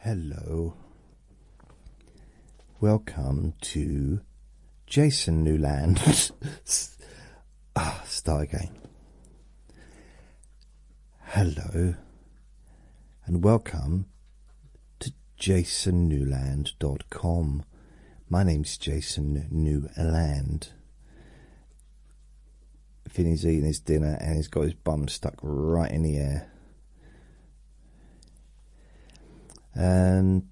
Hello. Welcome to Jason Newland. ah, start again. Hello and welcome to Jason jasonnewland.com. My name's Jason Newland. Finny's eating his dinner and he's got his bum stuck right in the air. And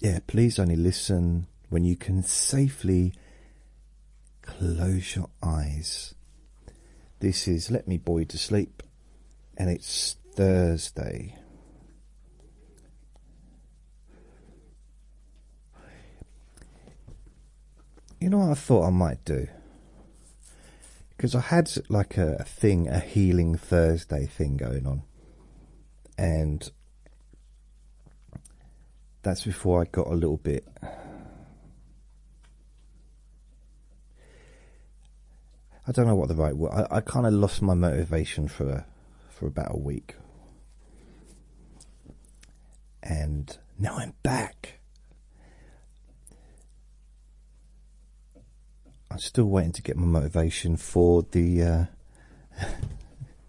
yeah, please only listen when you can safely close your eyes. This is Let Me Boy to Sleep, and it's Thursday you know what I thought I might do? Because I had like a, thing, a Healing Thursday thing going on. And that's before I got a little bit. I don't know what the right word. I, I kind of lost my motivation for a, for about a week, and now I'm back. I'm still waiting to get my motivation for the uh,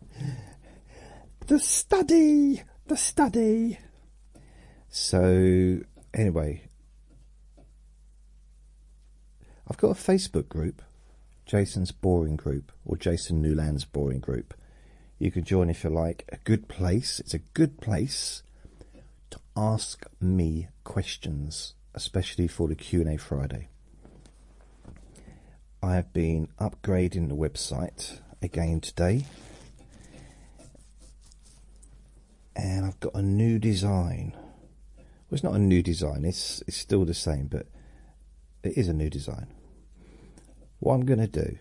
the study, the study. So anyway, I've got a Facebook group, Jason's Boring Group or Jason Newland's Boring Group. You can join if you like. A good place. It's a good place to ask me questions, especially for the Q&A Friday. I have been upgrading the website again today. And I've got a new design. Well, it's not a new design, it's, it's still the same, but it is a new design. What I'm going to do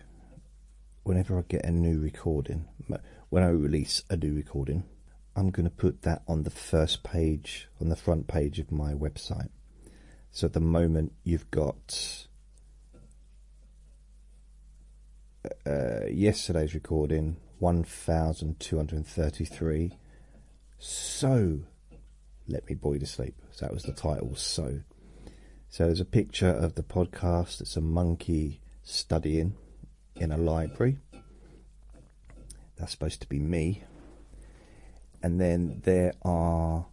whenever I get a new recording, when I release a new recording, I'm going to put that on the first page, on the front page of my website. So at the moment, you've got uh, yesterday's recording, 1233. So, let me boy to sleep. So that was the title, So. So there's a picture of the podcast. It's a monkey studying in a library. That's supposed to be me. And then there are.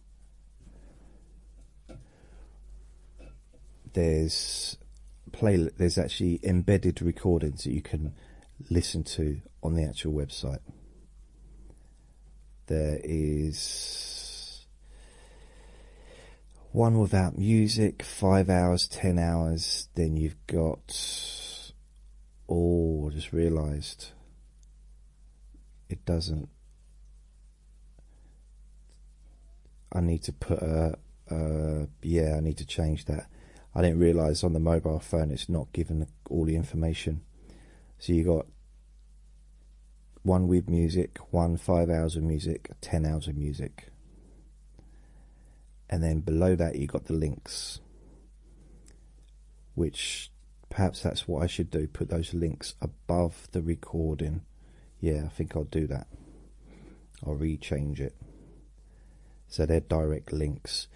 There's play. There's actually embedded recordings that you can listen to on the actual website. There is one without music, five hours, ten hours, then you've got. Oh, I just realised it doesn't. I need to put a. yeah, I need to change that. I didn't realise on the mobile phone it's not given all the information. So you got one with music, one five hours of music, ten hours of music and then below that you got the links which perhaps that's what I should do put those links above the recording yeah I think I'll do that I'll rechange it so they're direct links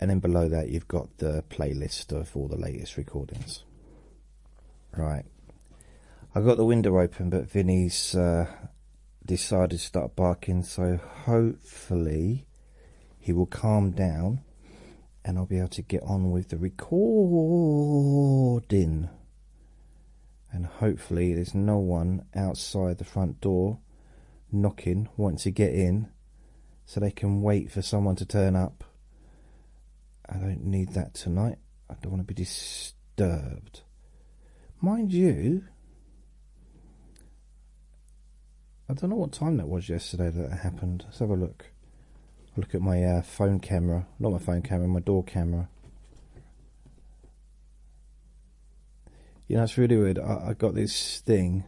and then below that you've got the playlist of all the latest recordings right I've got the window open but Vinny's uh, decided to start barking so hopefully he will calm down and I'll be able to get on with the recording and hopefully there's no one outside the front door knocking wanting to get in so they can wait for someone to turn up I don't need that tonight I don't want to be disturbed disturbed. Mind you, I don't know what time that was yesterday that happened. Let's have a look. I look at my uh, phone camera, not my phone camera, my door camera. You know, it's really weird. I, I got this thing.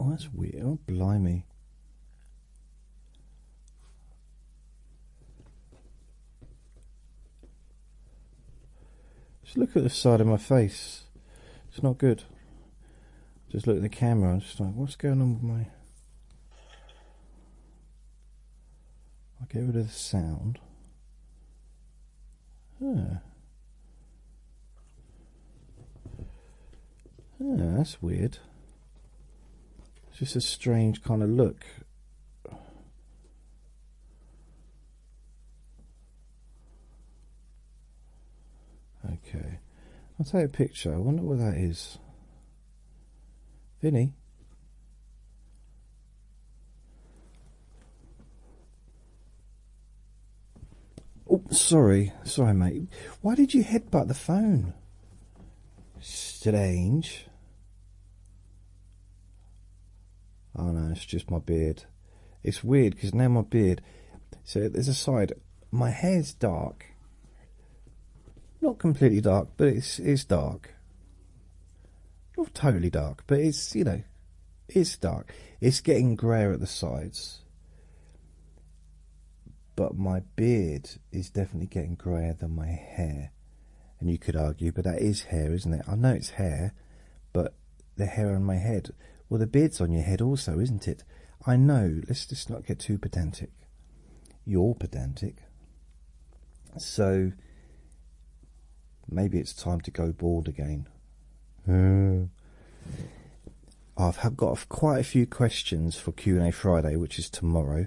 Oh, that's weird. Oh, blimey. Just look at the side of my face. It's not good. Just look at the camera. I'm just like, what's going on with my? I'll get rid of the sound. Huh. Yeah, that's weird. It's just a strange kind of look. Okay, I'll take a picture. I wonder what that is. Vinny. Oh, sorry, sorry, mate. Why did you headbutt the phone? Strange. Oh no, it's just my beard. It's weird because now my beard. So there's a side. My hair's dark. Not completely dark, but it's it's dark. Not totally dark, but it's you know, it's dark. It's getting grayer at the sides. But my beard is definitely getting grayer than my hair. And you could argue, but that is hair, isn't it? I know it's hair, but the hair on my head. Well, the beard's on your head also, isn't it? I know. Let's just not get too pedantic. You're pedantic. So maybe it's time to go bald again. I've got quite a few questions for Q&A Friday, which is tomorrow.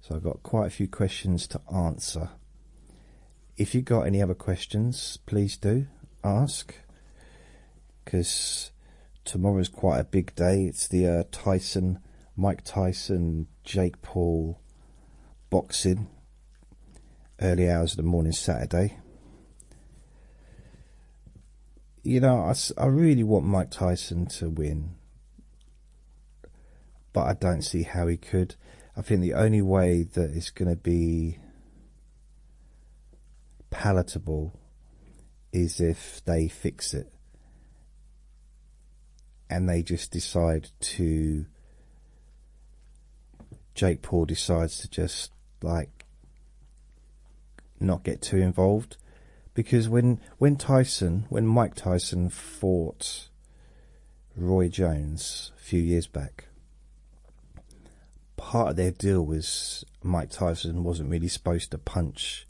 So I've got quite a few questions to answer. If you've got any other questions, please do ask because tomorrow is quite a big day. It's the uh, Tyson, Mike Tyson, Jake Paul boxing, early hours of the morning Saturday. You know, I, I really want Mike Tyson to win but I don't see how he could. I think the only way that it's going to be palatable is if they fix it and they just decide to. Jake Paul decides to just like not get too involved because when when Tyson when Mike Tyson fought Roy Jones a few years back. Part of their deal was Mike Tyson wasn't really supposed to punch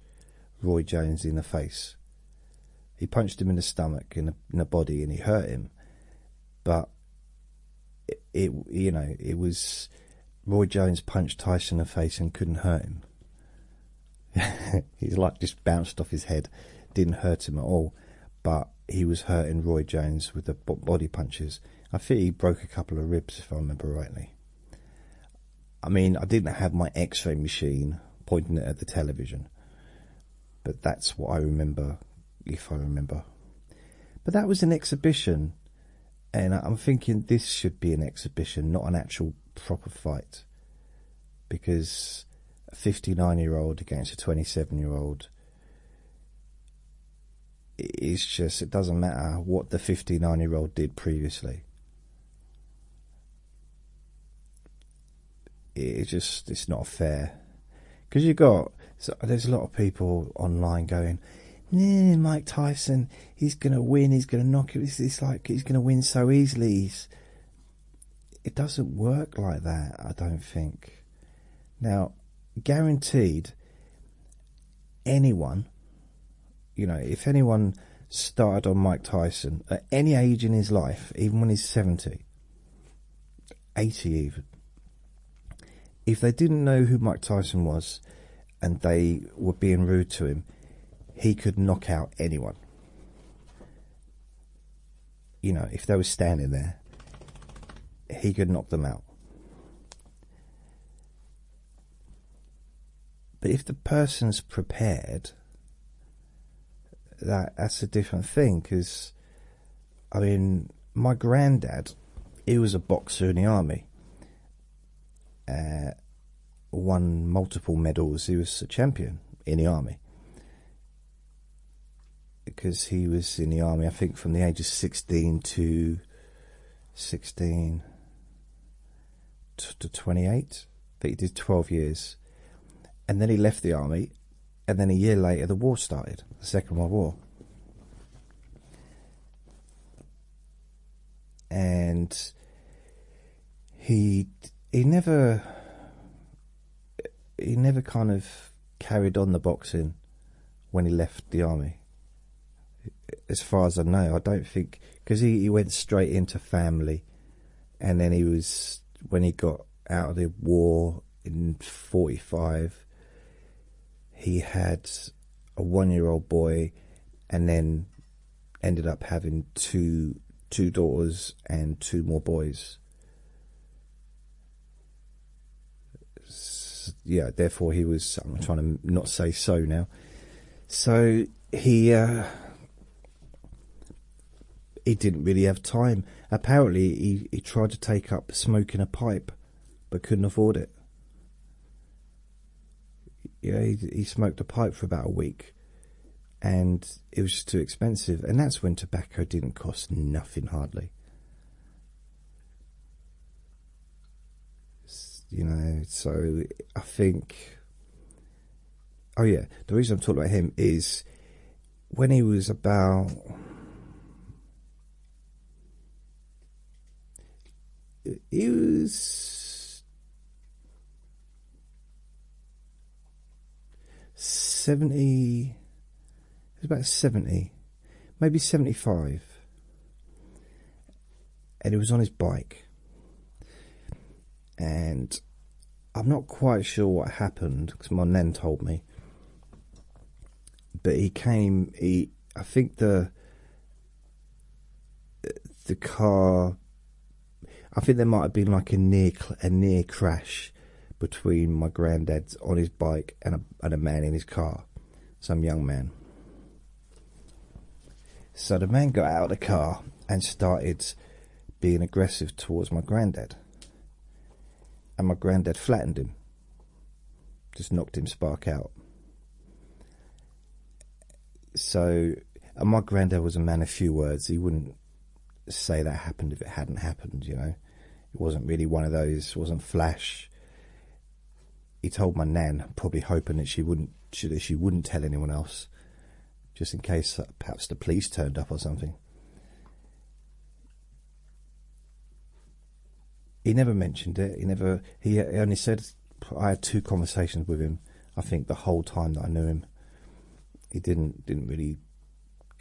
Roy Jones in the face. He punched him in the stomach, and in the body, and he hurt him. But it, you know, it was Roy Jones punched Tyson in the face and couldn't hurt him. He's like just bounced off his head, didn't hurt him at all. But he was hurting Roy Jones with the body punches. I think he broke a couple of ribs, if I remember rightly. I mean, I didn't have my x ray machine pointing it at the television, but that's what I remember, if I remember. But that was an exhibition, and I'm thinking this should be an exhibition, not an actual proper fight. Because a 59 year old against a 27 year old it's just it doesn't matter what the 59 year old did previously it's just it's not fair because you got so there's a lot of people online going nah, mike tyson he's gonna win he's gonna knock it it's, like he's gonna win so easily he's it doesn't work like that, I don't think. Now, guaranteed, anyone, you know, if anyone started on Mike Tyson at any age in his life, even when he's 70, 80 even, if they didn't know who Mike Tyson was and they were being rude to him, he could knock out anyone you know, if they were standing there, he could knock them out. But if the person's prepared, that that's a different thing. Because, I mean, my granddad, he was a boxer in the army. Uh, won multiple medals. He was a champion in the army because he was in the army, I think, from the age of 16 to 16 to 28. That he did 12 years. And then he left the army. And then a year later, the war started, the Second World War. And he he never he never kind of carried on the boxing when he left the army. As far as I know, I don't think because he, he went straight into family, and then he was when he got out of the war in '45. He had a one-year-old boy, and then ended up having two two daughters and two more boys yeah, therefore he was. I'm trying to not say so now. So he uh, he didn't really have time. Apparently, he he tried to take up smoking a pipe, but couldn't afford it. Yeah, he, he smoked a pipe for about a week, and it was just too expensive. And that's when tobacco didn't cost nothing hardly you know, so I think. Oh yeah, the reason I'm talking about him is when he was about. He was seventy it was about 70, maybe 75. And he was on his bike. And I'm not quite sure what happened because my nan told me. But he came, he, I think the the car, I think there might have been like a near a near crash between my granddad's on his bike and a, and a man in his car, some young man. So the man got out of the car and started being aggressive towards my granddad. And my granddad flattened him, just knocked him spark out. So, and my granddad was a man of few words. He wouldn't say that happened if it hadn't happened, you know. It wasn't really one of those. It wasn't flash. He told my nan, probably hoping that she wouldn't that she wouldn't tell anyone else, just in case uh, perhaps the police turned up or something. He never mentioned it. He never. he only said I had two conversations with him. I think the whole time that I knew him, he didn't didn't really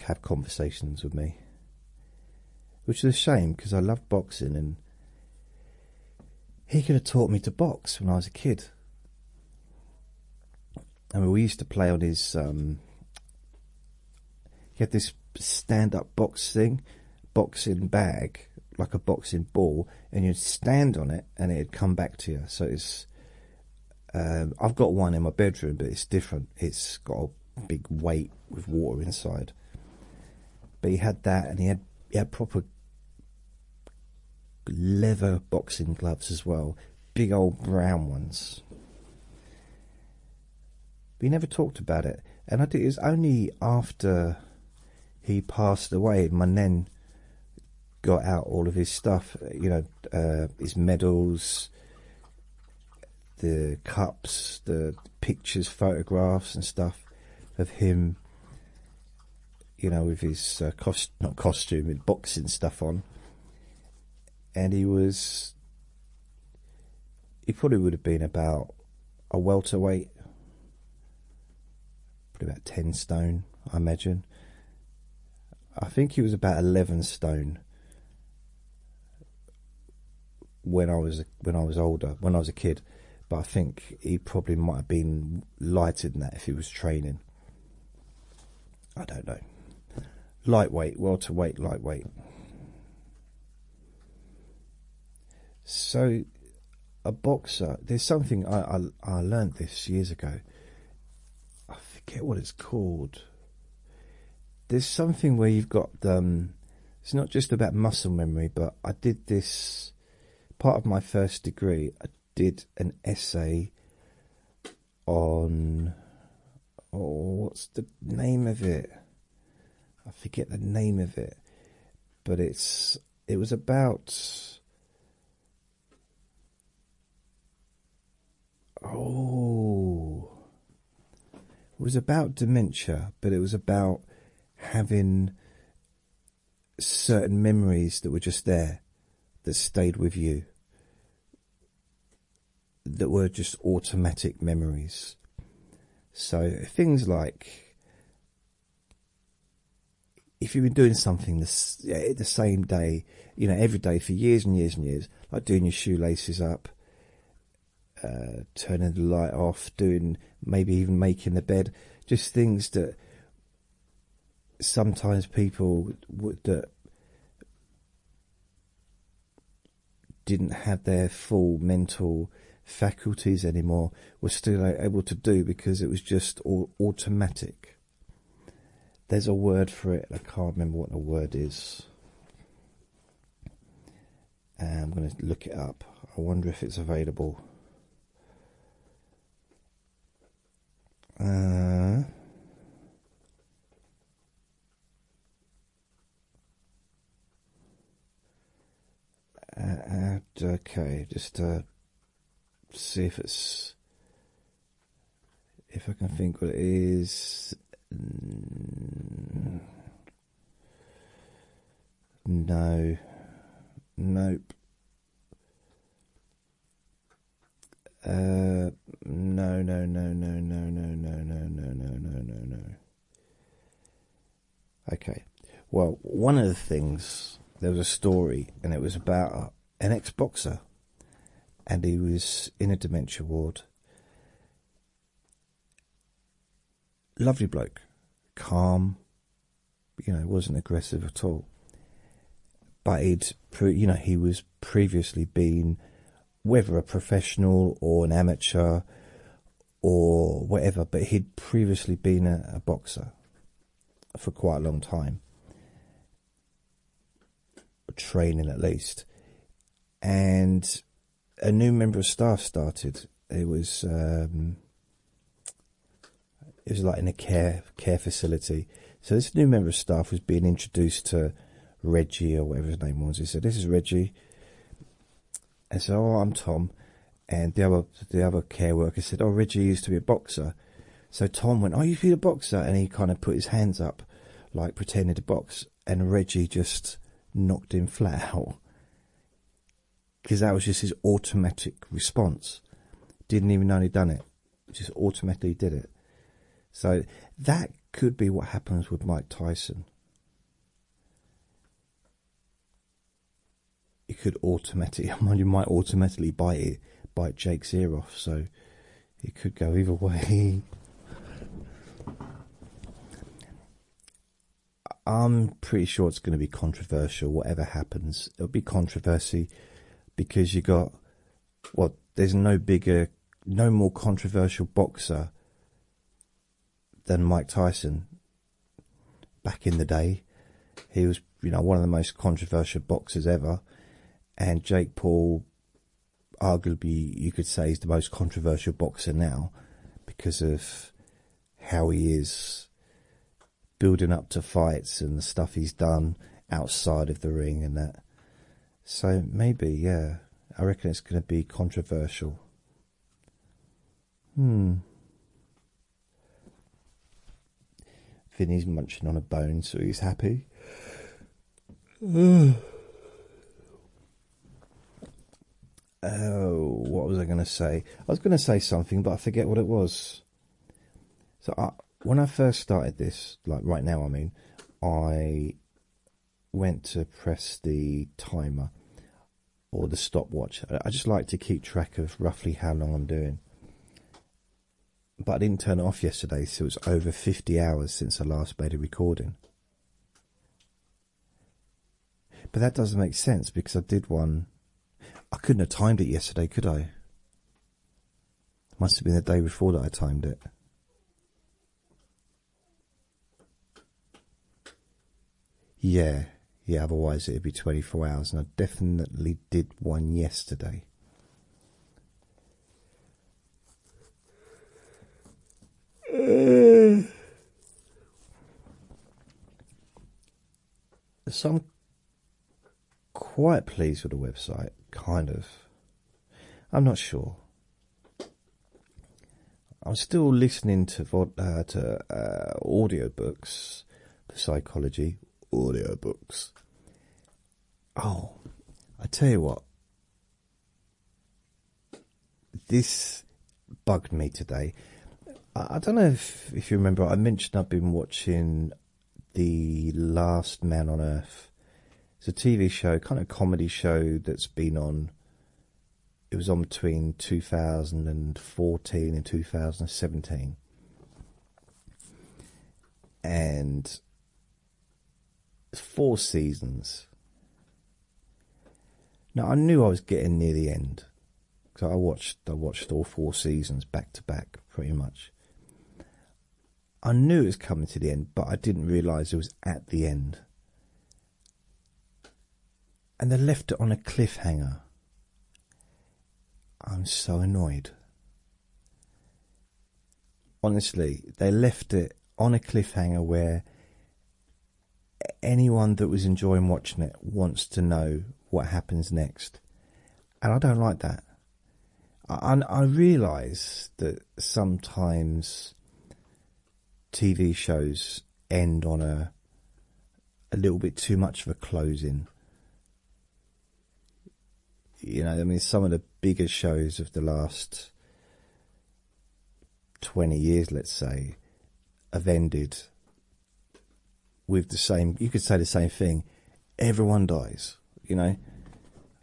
have conversations with me, which is a shame because I loved boxing and he could have taught me to box when I was a kid. I mean, we used to play on his. Um, he had this stand-up boxing, boxing bag like a boxing ball, and you'd stand on it, and it'd come back to you. So it's. Um, I've got one in my bedroom, but it's different. It's got a big weight with water inside. But he had that, and he had he had proper leather boxing gloves as well, big old brown ones. We never talked about it, and I think it was only after he passed away and then got out all of his stuff, you know, uh, his medals, the cups, the pictures, photographs, and stuff of him, you know, with his uh, cost not costume, with boxing stuff on. And he was, he probably would have been about a welterweight, probably about 10 stone, I imagine. I think he was about 11 stone when I was when I was older, when I was a kid, but I think he probably might have been lighter than that if he was training. I don't know. Lightweight, welterweight, lightweight. So, a boxer. There's something I I, I learned this years ago. I forget what it's called there's something where you've got um, it's not just about muscle memory but i did this part of my first degree i did an essay on oh what's the name of it i forget the name of it but it's it was about oh it was about dementia, but it was about having certain memories that were just there, that stayed with you, that were just automatic memories. So things like if you've been doing something the same day, you know, every day for years and years and years, like doing your shoelaces up, uh, turning the light off, doing maybe even making the bed, just things that sometimes people that didn't have their full mental faculties anymore were still able to do because it was just automatic. There's a word for it, I can't remember what the word is. Uh, I'm going to look it up. I wonder if it's available. Uh, uh, okay, just uh, see if it's if I can think what it is. Mm. No, nope. Uh, no, no, no, no, no, no, no, no, no, no, no, no, no. Okay. Well, one of the things there was a story, and it was about an ex-boxer, and he was in a dementia ward, Lovely bloke, calm, you know, wasn't aggressive at all. But he'd, you know, he was previously been, whether a professional or an amateur or whatever, but he'd previously been a, boxer for quite a long time, training at least. And a new member of staff started. It was um, it was like in a care care facility. So this new member of staff was being introduced to Reggie or whatever his name was. He said, "This is Reggie," and said, oh, I'm Tom. And the other the other care worker said, "Oh, Reggie used to be a boxer." So Tom went, "Oh, you feel a boxer?" And he kind of put his hands up, like pretending to box and Reggie just knocked him flat out because that was just his automatic response. Didn't even know he'd done it, just automatically did it. So that could be what happens with Mike Tyson. It could automatically, you might automatically bite bite Jake's ear off. So it could go either way. I'm pretty sure it's going to be controversial. Whatever happens, it'll be controversy because you got well. There's no bigger, no more controversial boxer than Mike Tyson. Back in the day, he was you know one of the most controversial boxers ever, and Jake Paul, arguably you could say, is the most controversial boxer now because of how he is building up to fights and the stuff he's done outside of the ring and that. So maybe, yeah, I reckon it's going to be controversial. Hmm. Vinny's munching on a bone, so he's happy. Oh, what was I going to say? I was going to say something, but I forget what it was. So when I first started this, like right now, I mean, I went to press the timer or the stopwatch. I just like to keep track of roughly how long I'm doing. But I didn't turn it off yesterday, so it's over 50 hours since I last made a recording. But that doesn't make sense because I did one. I couldn't have timed it yesterday, could I? Must have been the day before that I timed it. Yeah, yeah, otherwise it'd be 24 hours, and I definitely did one yesterday. so I'm quite pleased with the website, kind of. I'm not sure. I'm still listening to uh, to uh, audiobooks for psychology. Audiobooks. Oh, I tell you what this bugged me today. I, don't know if, if you remember, I mentioned I've been watching The Last Man on Earth. It's a TV show, kind of comedy show that's been on. It was on between 2014 and 2017. And it's four seasons. Now I knew I was getting near the end, because I watched I watched all four seasons back to back, pretty much. I knew it was coming to the end, but I didn't realise it was at the end. And they left it on a cliffhanger. I'm so annoyed. Honestly, they left it on a cliffhanger where anyone that was enjoying watching it wants to know what happens next, and I don't like that. I, I realise that sometimes TV shows end on a a little bit too much of a closing. You know, I mean, some of the bigger shows of the last 20 years, let's say, have ended with the same, you could say the same thing. Everyone dies, you know,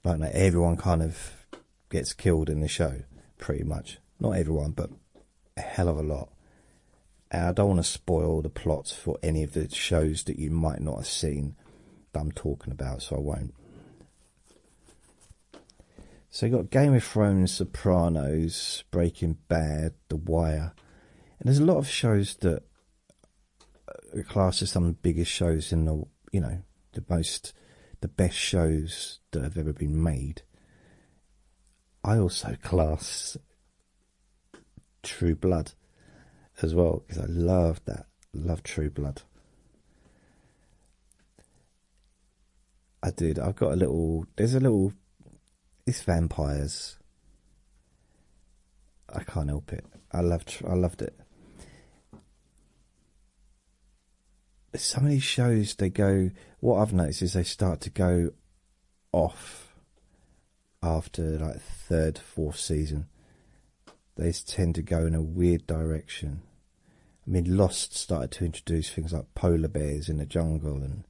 like no, everyone kind of gets killed in the show, pretty much. Not everyone, but a hell of a lot. I don't want to spoil the plots for any of the shows that you might not have seen that I'm talking about, so I won't. So you've got Game of Thrones, Sopranos, Breaking Bad, The Wire, and there's a lot of shows that uh, class as some of the biggest shows in the you know the most the best shows that have ever been made. I also class True Blood as well because I love that, love True Blood. I did. I've got a little. There's a little. It's vampires. I can't help it. I loved. I loved it. Some of these shows, they go. What I've noticed is they start to go off after like third, fourth season. They tend to go in a weird direction. I mean, Lost started to introduce things like polar bears in the jungle and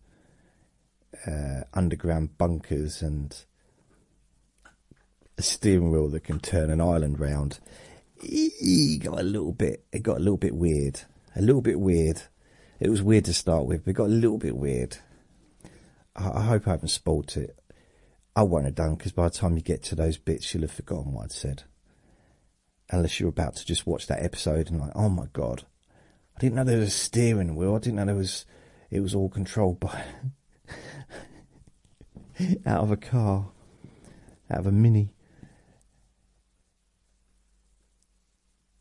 uh, underground bunkers and a steering wheel that can turn an island round. It got a little bit. It got a little bit weird. A little bit weird. It was weird to start with, but it got a little bit weird. I, hope I haven't spoilt it. I won't have done because by the time you get to those bits, you'll have forgotten what i said unless you're about to just watch that episode and like, oh my god, I didn't know there was a steering wheel. I didn't know there was. It was all controlled by out of a car, out of a mini.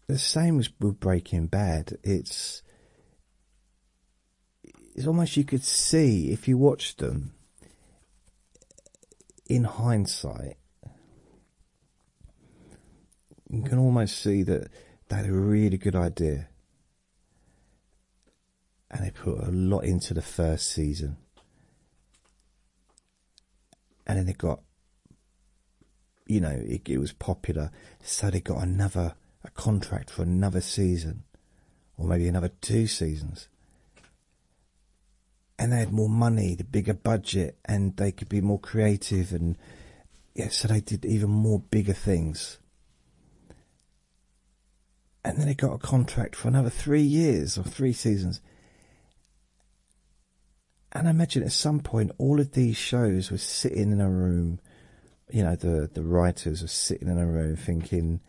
The same as with Breaking Bad. It's it's almost you could see if you watched them in hindsight you can almost see that they had a really good idea. And they put a lot into the first season. And then they got, you know, it, was popular. So they got another a contract for another season, or maybe another two seasons. And they had more money, the bigger budget, and they could be more creative and so they did even more bigger things. And then they got a contract for another three years or three seasons. And I imagine at some point all of these shows were sitting in a room, you know, the, the writers were sitting in a room thinking,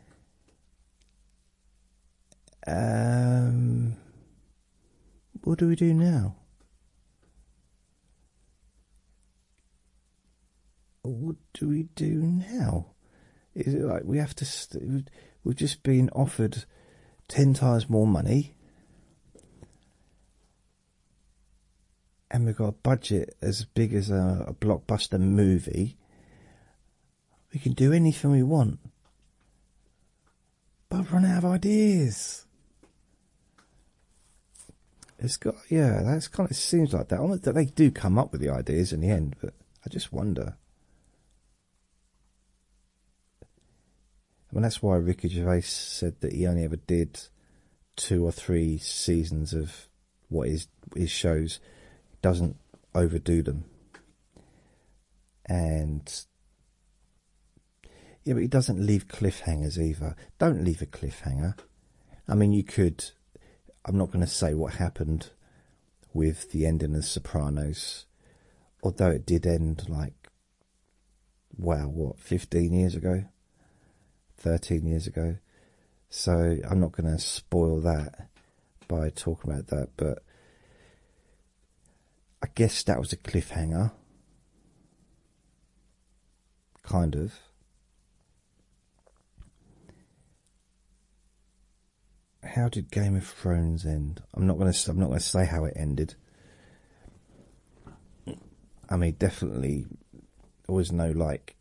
um, what do we do now? What do we do now? Is it like we have to? we we've just been offered ten times more money, and we've got a budget as big as a blockbuster movie. We can do anything we want. But I've run out of ideas. It's got yeah, that's kind of seems like that. That they do come up with the ideas in the end, but I just wonder. I mean, that's why Ricky Gervais said that he only ever did two or three seasons of what his his shows doesn't overdo them, and yeah, but he doesn't leave cliffhangers either. Don't leave a cliffhanger. I mean, you could. I'm not going to say what happened with the ending of Sopranos, although it did end like, well, what, 15 years ago? 13 years ago? So I'm not going to spoil that by talking about that, but I guess that was a cliffhanger. Kind of. How did Game of Thrones end? I'm not gonna. I'm not gonna say how it ended. I mean, definitely, always was no like.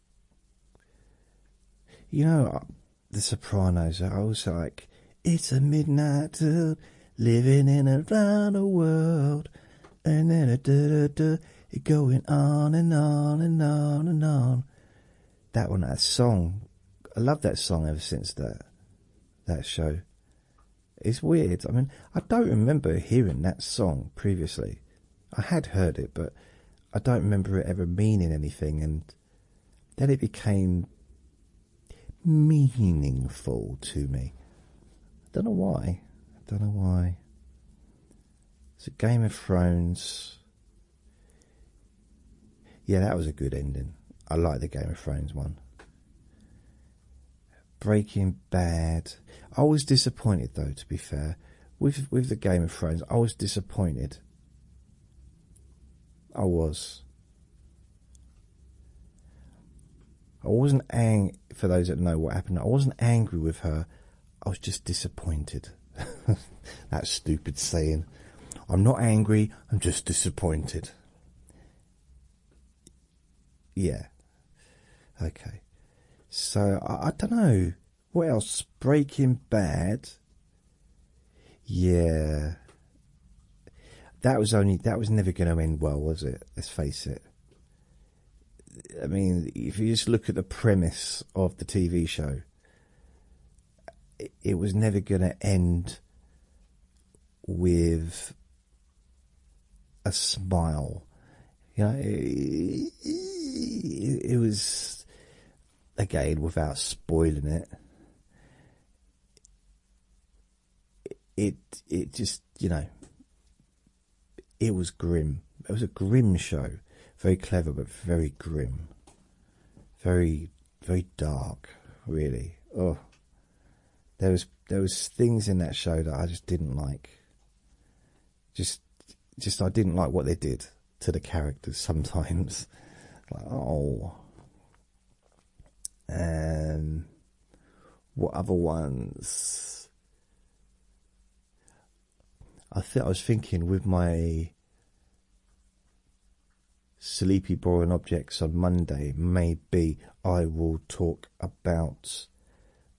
You know, uh, The Sopranos. I was like, it's a midnight uh, living in a round world, and then a da da da, it going on and on and on and on. That one, that song, I love that song ever since that that show. It's weird. I mean, I don't remember hearing that song previously. I had heard it, but I don't remember it ever meaning anything. And then it became meaningful to me. I don't know why. I don't know why. It's a Game of Thrones. Yeah, that was a good ending. I like the Game of Thrones one. Breaking Bad. I was disappointed though, to be fair, with with the Game of Thrones. I was disappointed. I was. I wasn't angry, for those that know what happened, I wasn't angry with her, I was just disappointed. that stupid saying. I'm not angry, I'm just disappointed. Yeah. Okay. So, I, I don't know. What else? Breaking Bad. Yeah. That was only, that was never going to end well, was it? Let's face it. I mean, if you just look at the premise of the TV show, it, was never going to end with a smile. You know, it, it, it was, again, without spoiling it, it it just you know it was grim. It was a grim show, very clever but very grim, very very dark. Really, oh, there was there was things in that show that I just didn't like. Just just I didn't like what they did to the characters sometimes. oh. Um, what other ones? I think I was thinking with my sleepy boring objects on Monday, maybe I will talk about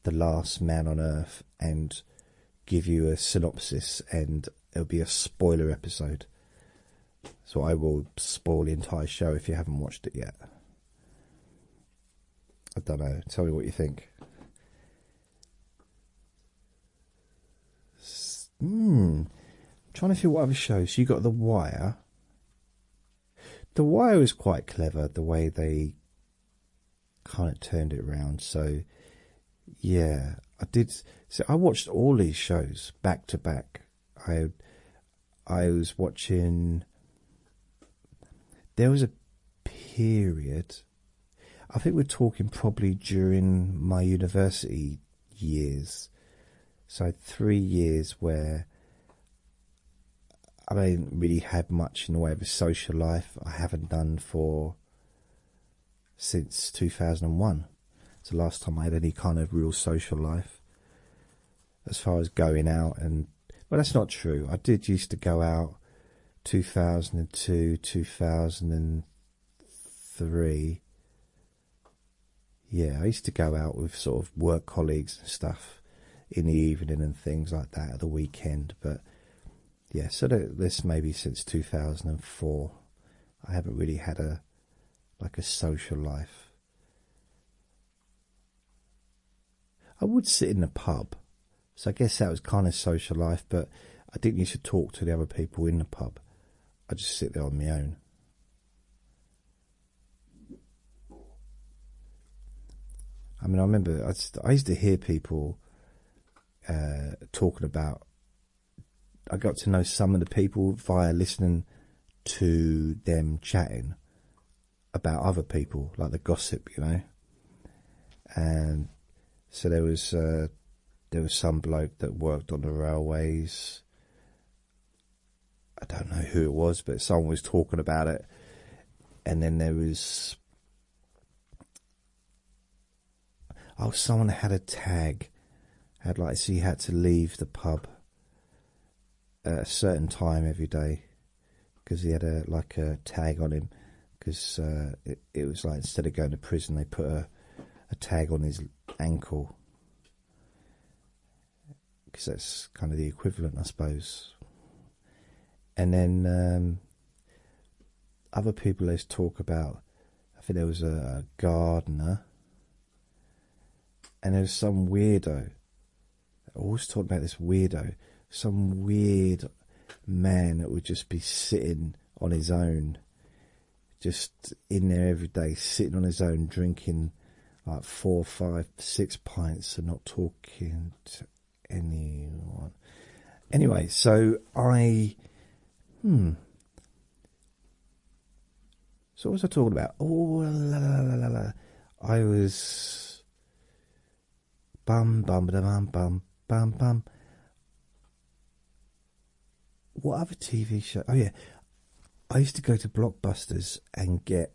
the last man on earth and give you a synopsis and it'll be a spoiler episode. So I will spoil the entire show if you haven't watched it yet. I don't know. Tell me what you think. Hmm. Trying to feel what other shows. you got The Wire. The Wire is quite clever. The way they kind of turned it around. So yeah, I did. So I watched all these shows back to back. I I was watching. There was a period, I think we're talking probably during my university years, so three years where I haven't really had much in the way of a social life. I haven't done for since 2001. It's the last time I had any kind of real social life as far as going out and well, that's not true. I did used to go out 2002, 2003. Yeah, I used to go out with sort of work colleagues and stuff in the evening and things like that at the weekend. But yeah, so this maybe since 2004. I haven't really had a like a social life. I would sit in a pub, so I guess that was kind of social life, but I didn't used to talk to the other people in the pub. I just sit there on my own. I mean, I remember I, used to hear people uh, talking about. I got to know some of the people via listening to them chatting about other people, like the gossip, you know. And so there was uh, there was some bloke that worked on the railways. I don't know who it was, but someone was talking about it. And then there was oh, someone had a tag, had like so he had to leave the pub at a certain time every day because he had a like a tag on him because uh, it, it was like instead of going to prison they put a, a tag on his ankle because that's kind of the equivalent I suppose and then um, other people always talk about I think there was a gardener and there was some weirdo I was talking about this weirdo, some weird man that would just be sitting on his own, just in there every day, sitting on his own, drinking like four, five, six pints and not talking to anyone. Anyway, so I. Hmm. So what was I talking about? Oh, la la la la la. I was Bum bum ba bum bum bum What other TV show? Oh yeah, I used to go to Blockbusters and get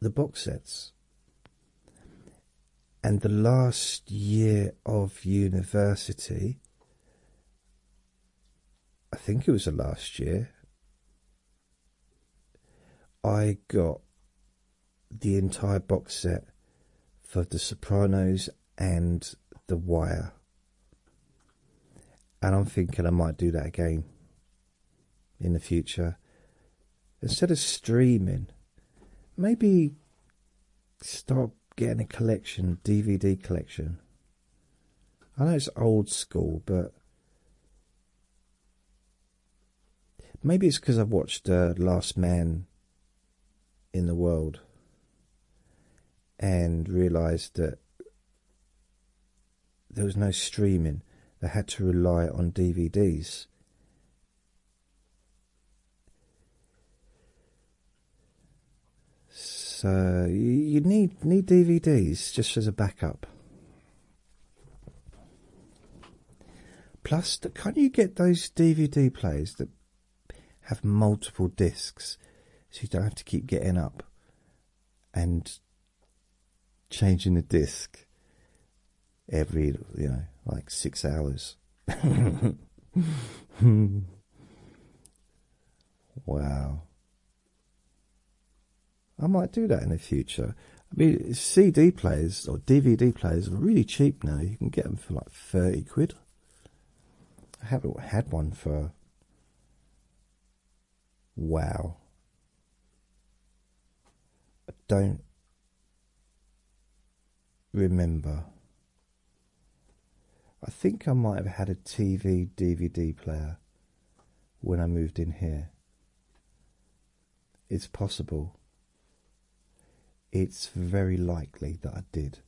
the box sets. And the last year of university, I think it was the last year, I got the entire box set for The Sopranos and The Wire. And I'm thinking I might do that again in the future. Instead of streaming, maybe start getting a collection, DVD collection. I know it's old school, but Maybe it's because I've watched uh, Last Man in the World and realised that there was no streaming. They had to rely on DVDs. So you need need DVDs just as a backup. Plus, can't you get those DVD players that have multiple discs so you don't have to keep getting up and changing the disc every, you know, like six hours? wow. I might do that in the future. I mean, CD players or DVD players are really cheap now. You can get them for like 30 quid. I haven't had one for. Wow. I don't remember. I think I might have had a TV DVD player when I moved in here it's possible. It's very likely that I did.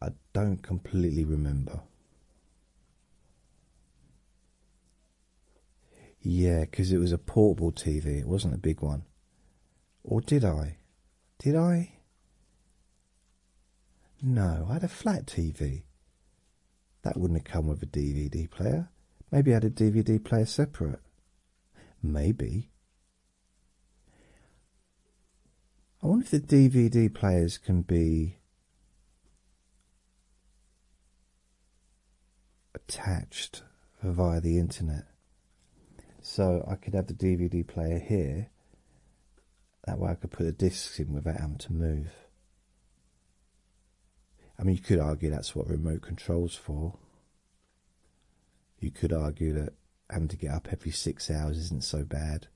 I don't completely remember. Yeah, because it was a portable TV, it wasn't a big one. Or did I? Did I? No, I had a flat TV. That wouldn't have come with a DVD player. Maybe I had a DVD player separate. Maybe. I wonder if the DVD players can be attached via the internet. So I could have the DVD player here. That way I could put the discs in without having to move. I mean, you could argue that's what remote control's for. You could argue that having to get up every six hours isn't so bad.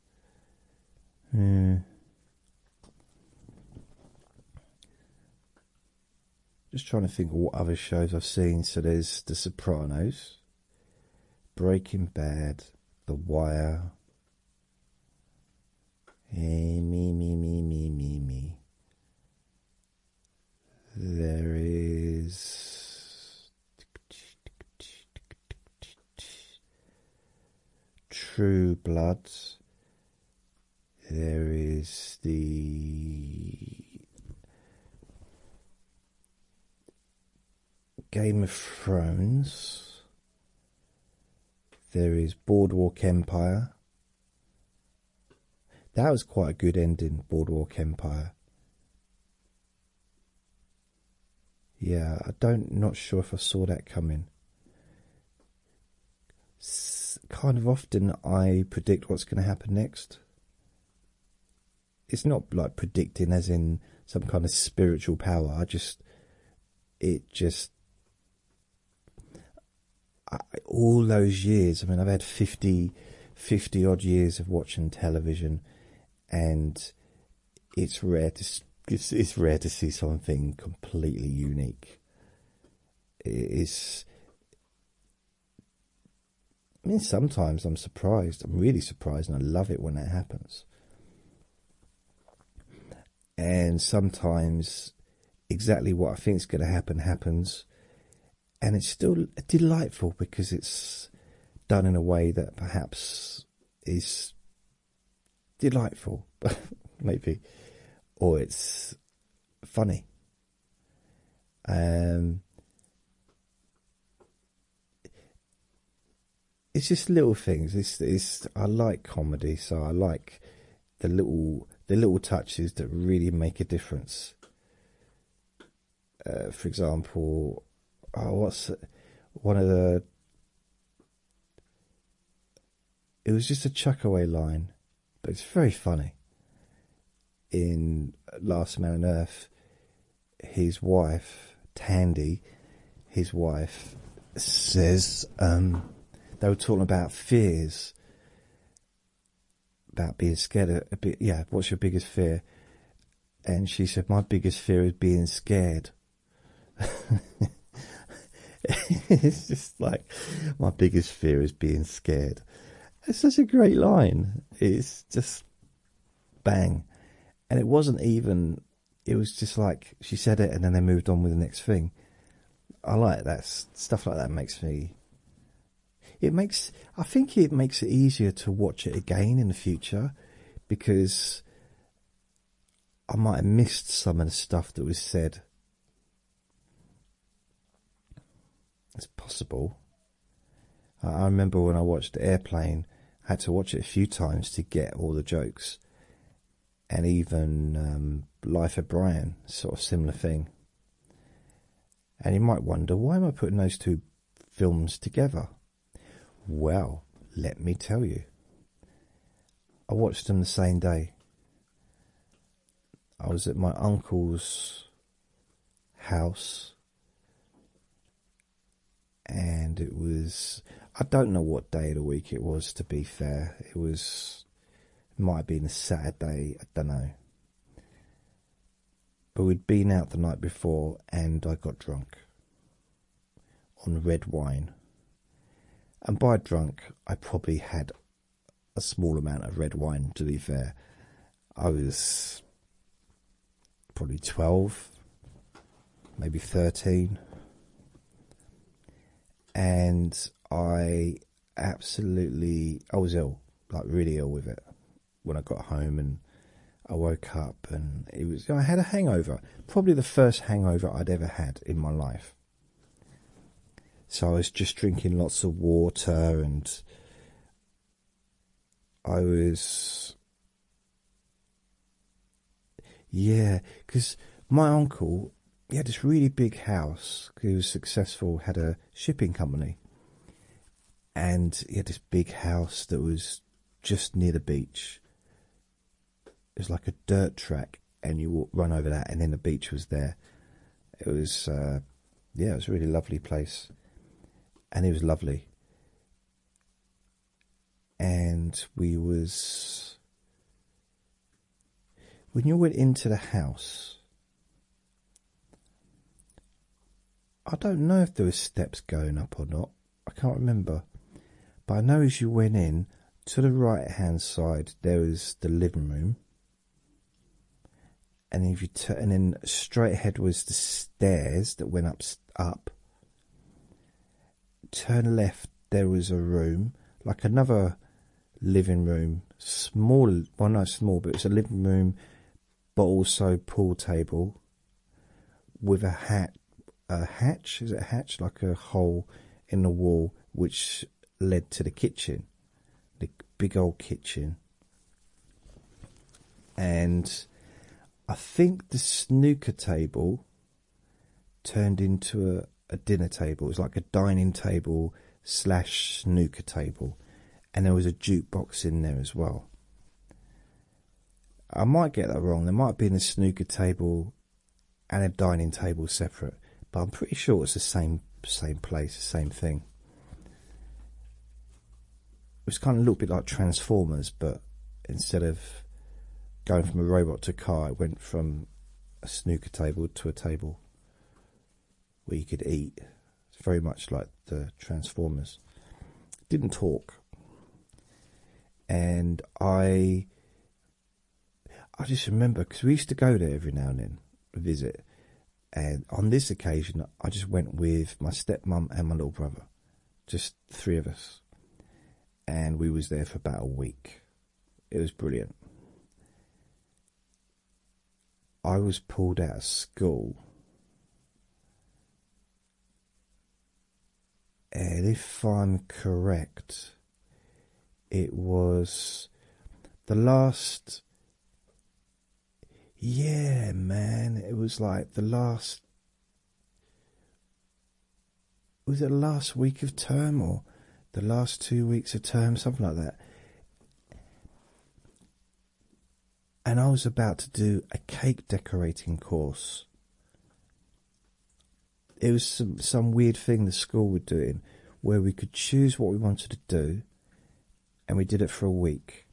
Just trying to think of what other shows I've seen. So there's The Sopranos, Breaking Bad, The Wire. Hey, eh, me, me, me, me, me, me. There is True Blood. There is the Game of Thrones. There is Boardwalk Empire. That was quite a good ending, Boardwalk Empire. Yeah, I don't not sure if I saw that coming. kind of often I predict what's going to happen next. It's not like predicting as in some kind of spiritual power. I just it just all those years, I mean, I've had 50, 50 odd years of watching television, and it's rare to it's rare to see something completely unique. It's, I mean, sometimes I'm surprised. I'm really surprised, and I love it when that happens and sometimes exactly what I think is going to happen happens, and it's still delightful because it's done in a way that perhaps is delightful, maybe, or it's funny. Um, it's just little things. It's, it's I like comedy, so I like the little the little touches that really make a difference. Uh, for example, oh, what's one of the? It was just a chuck away line, but it's very funny. In Last Man on Earth, his wife Tandy, his wife says um, they were talking about fears, about being scared a, bit yeah what's your biggest fear and she said my biggest fear is being scared it's just like my biggest fear is being scared it's such a great line it's just bang and it wasn't even it was just like she said it and then they moved on with the next thing I like that stuff like that makes me it makes I think it makes it easier to watch it again in the future because I might have missed some of the stuff that was said. It's possible. I remember when I watched the Airplane, I had to watch it a few times to get all the jokes. And even um, Life of Brian, sort of similar thing. And you might wonder, why am I putting those two films together? Well, let me tell you. I watched them the same day. I was at my uncle's house and it was I don't know what day of the week it was to be fair. It was it might have been a sad day, I don't know. But we'd been out the night before and I got drunk on red wine. And by drunk, I probably had a small amount of red wine, to be fair. I was probably 12, maybe 13. And I absolutely, I was ill, like really ill with it when I got home and I woke up and it was, I had a hangover, probably the first hangover I'd ever had in my life. So I was just drinking lots of water and I was, yeah, because my uncle he had this really big house. He was successful, had a shipping company, and he had this big house that was just near the beach. It was like a dirt track, and you run over that, and then the beach was there. It was, uh, yeah, it was a really lovely place, and it was lovely. And we was when you went into the house, I don't know if there was steps going up or not. I can't remember, but I know as you went in to the right-hand side, there was the living room, and if you turn in straight ahead was the stairs that went up up. Turn left, there was a room like another living room, small, well, no, small, but it's a living room, but also pool table with a hat, a hatch, is it a hatch? Like a hole in the wall, which led to the kitchen, the big old kitchen. And I think the snooker table turned into a dinner table. It was like a dining table slash snooker table, and there was a jukebox in there as well. I might get that wrong. There might be a snooker table and a dining table separate, but I'm pretty sure it's the same same place, the same thing. It was kind of a little bit like Transformers, but instead of going from a robot to car, it went from a snooker table to a table where you could eat. It's very much like the Transformers. Didn't talk, and I. I just remember because we used to go there every now and then, visit, and on this occasion I just went with my stepmom and my little brother, just three of us, and we was there for about a week. It was brilliant. I was pulled out of school. And if I'm correct, it was the last. Yeah, man, it was like the last. Was it last week of term or the last two weeks of term? Something like that and I was about to do a cake decorating course. It was some, weird thing the school were doing where we could choose what we wanted to do, and we did it for a week.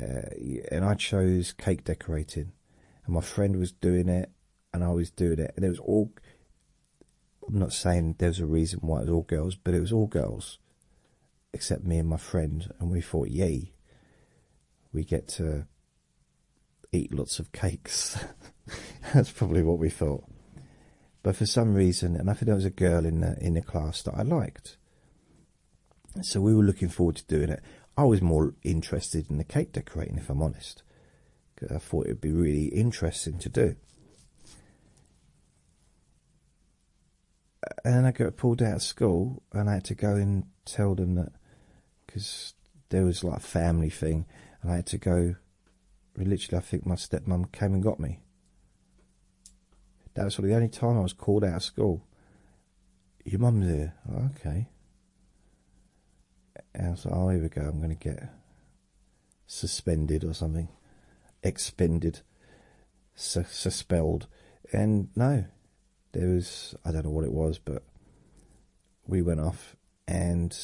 Uh, and I chose cake decorating, and my friend was doing it, and I was doing it, and it was all I'm not saying there was a reason why it was all girls, but it was all girls, except me and my friend, and we thought, yay, we get to eat lots of cakes. That's probably what we thought. But for some reason, and I think there was a girl in the in the class that I liked, so we were looking forward to doing it. I was more interested in the cake decorating, if I'm honest, because I thought it would be really interesting to do and then I got pulled out of school, and I had to go and tell them that because there was like a family thing, and I had to go. Literally, I think my stepmom came and got me. That was the only time I was called out of school. Your mum's here, oh, okay. And I was like, oh, here we go. I'm going to get suspended or something, expended, suspended, and no, there was I don't know what it was, but we went off, and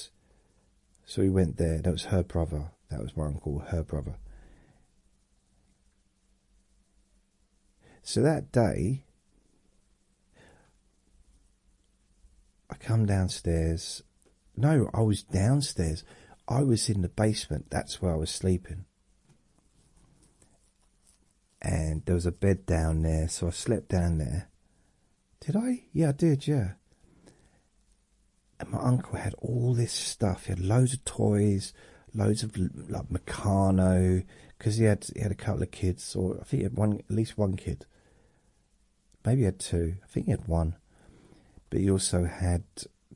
so we went there. That was her brother. That was my uncle. Her brother. So that day, I come downstairs no, I was downstairs. I was in the basement. That's where I was sleeping. And there was a bed down there, so I slept down there. Did I? Yeah, I did, yeah. And my uncle had all this stuff. He had loads of toys, loads of like Meccano, because he had he had a couple of kids, or I think he had one, at least one kid. Maybe he had two. I think he had one. But he also had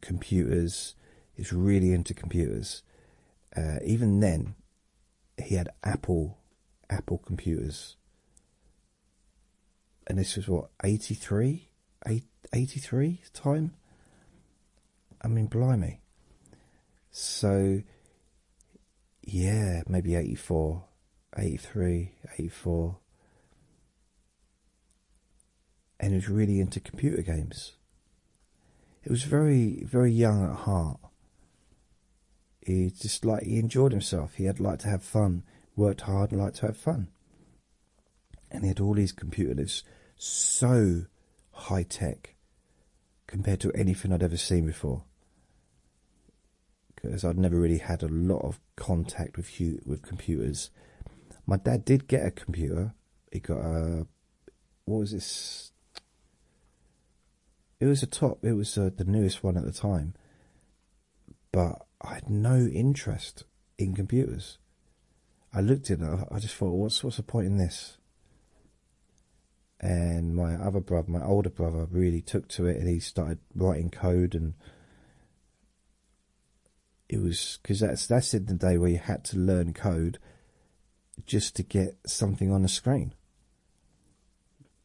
computers. He really into computers. Uh, even then, he had Apple, Apple computers. And this was what 83, 83 time. I mean, blimey. So, yeah, maybe 84, 83, 84 and was really into computer games. He was very, very young at heart. He just like he enjoyed himself. He had liked to have fun, worked hard, and liked to have fun. And he had all these computers so high tech compared to anything I'd ever seen before. Because I'd never really had a lot of contact with with computers my dad did get a computer. He got a what was this? It was a top. It was uh, the newest one at the time. But I had no interest in computers. I looked at it. I just thought, what's what's the point in this? And my other brother, my older brother, really took to it, and he started writing code and it was because that's that's in the day where you had to learn code just to get something on the screen.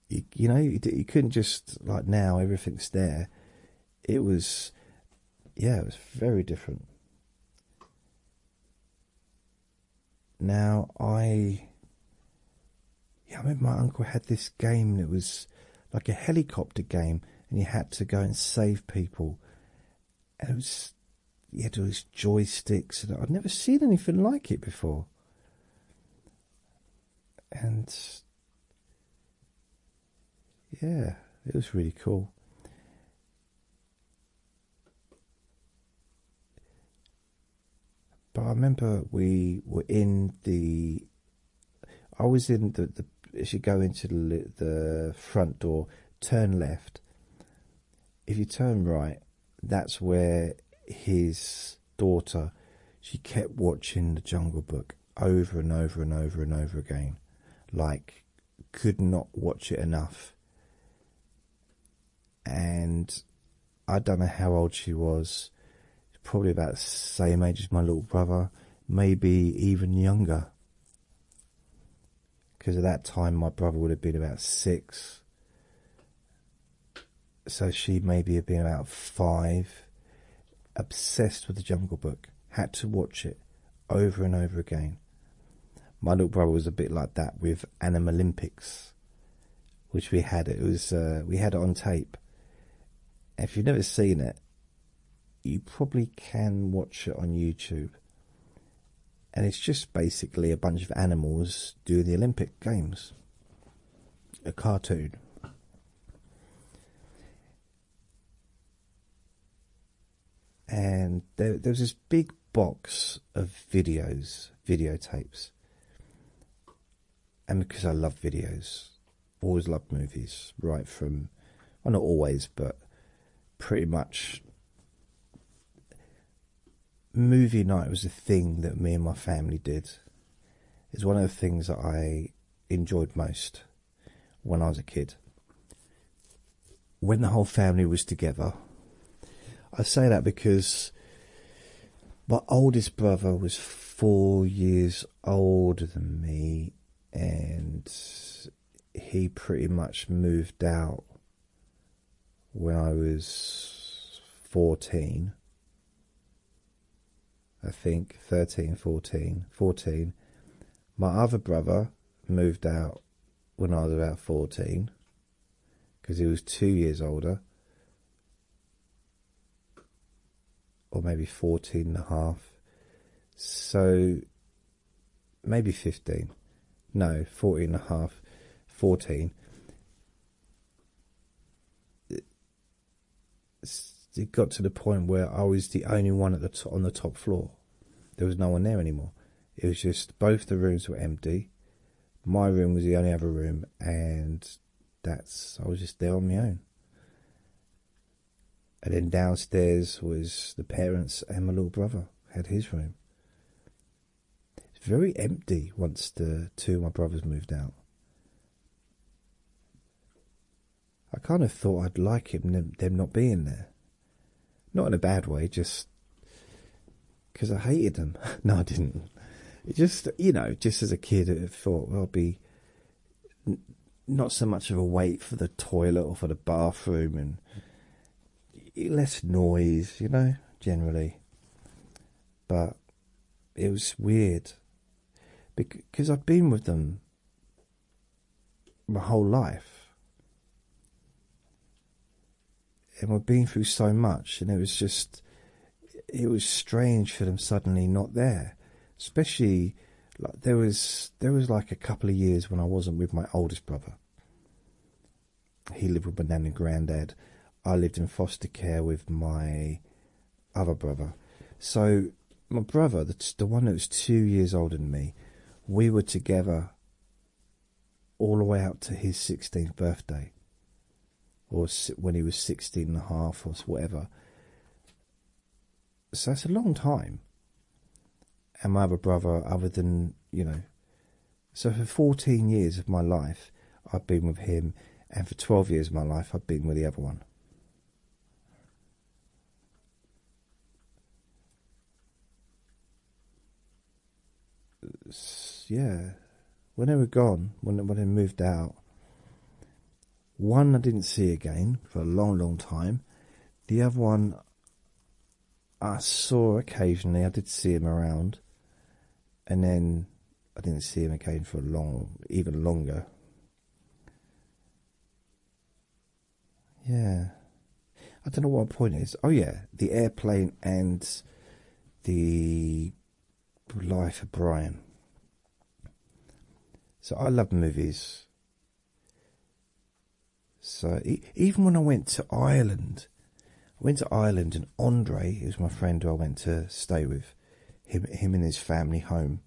You, know, you, couldn't just like now everything's there. It was, yeah, it was very different. Now I, yeah, I remember my uncle had this game and it was like a helicopter game, and you had to go and save people and it was he had all these joysticks and I'd never seen anything like it before. And yeah, it was really cool. But I remember we were in the I was in the, the the as you go into the, the front door, turn left. If you turn right, that's where his daughter she kept watching the Jungle Book over and over and over and over again, like could not watch it enough. And I don't know how old she was, probably about the same age as my little brother, maybe even younger because at that time my brother would have been about six, so she maybe had been about five. Obsessed with the Jungle Book, had to watch it over and over again. My little brother was a bit like that with Olympics, which we had. It was uh, we had it on tape. If you've never seen it, you probably can watch it on YouTube. And it's just basically a bunch of animals doing the Olympic Games. A cartoon. And there, was this big box of videos, videotapes. And because I love videos, always loved movies, right from, well, not always, but pretty much movie night was a thing that me and my family did. It's one of the things that I enjoyed most when I was a kid. When the whole family was together, I say that because my oldest brother was four years older than me, and he pretty much moved out when I was 14. I think 13, 14, 14. My other brother moved out when I was about 14 because he was two years older, or maybe 14 and a half. So maybe 15 no 14 and a half 14 it got to the point where i was the only one at the on the top floor there was no one there anymore it was just both the rooms were empty my room was the only other room and that's i was just there on my own and then downstairs was the parents and my little brother had his room. It's very empty once the two of my brothers moved out. I kind of thought I'd like him them not being there. Not in a bad way, just because I hated them. no, I didn't. just, you know, just as a kid, I thought well, be not so much of a wait for the toilet or for the bathroom and less noise, you know, generally. But it was weird because I've been with them my whole life. And we've been through so much, and it was just, it was strange for them suddenly not there. Especially, like, there was there was like a couple of years when I wasn't with my oldest brother. He lived with my nan and granddad. I lived in foster care with my other brother. So my brother, the, the one that was two years older than me, we were together all the way up to his 16th birthday. Or when he was 16 and a half or whatever. So that's a long time. And my other brother, other than, you know, so for 14 years of my life, I've been with him, and for 12 years of my life, I've been with the other one. Yeah, when they were gone, when when they moved out, one I didn't see again for a long, long time. The other one, I saw occasionally, I did see him around, and then I didn't see him again for a long, even longer. Yeah, I don't know what my point is. Oh, yeah, the airplane and the life of Brian. So I love movies. So even when I went to Ireland, I went to Ireland and Andre, was my friend who I went to stay with, him him and his family home.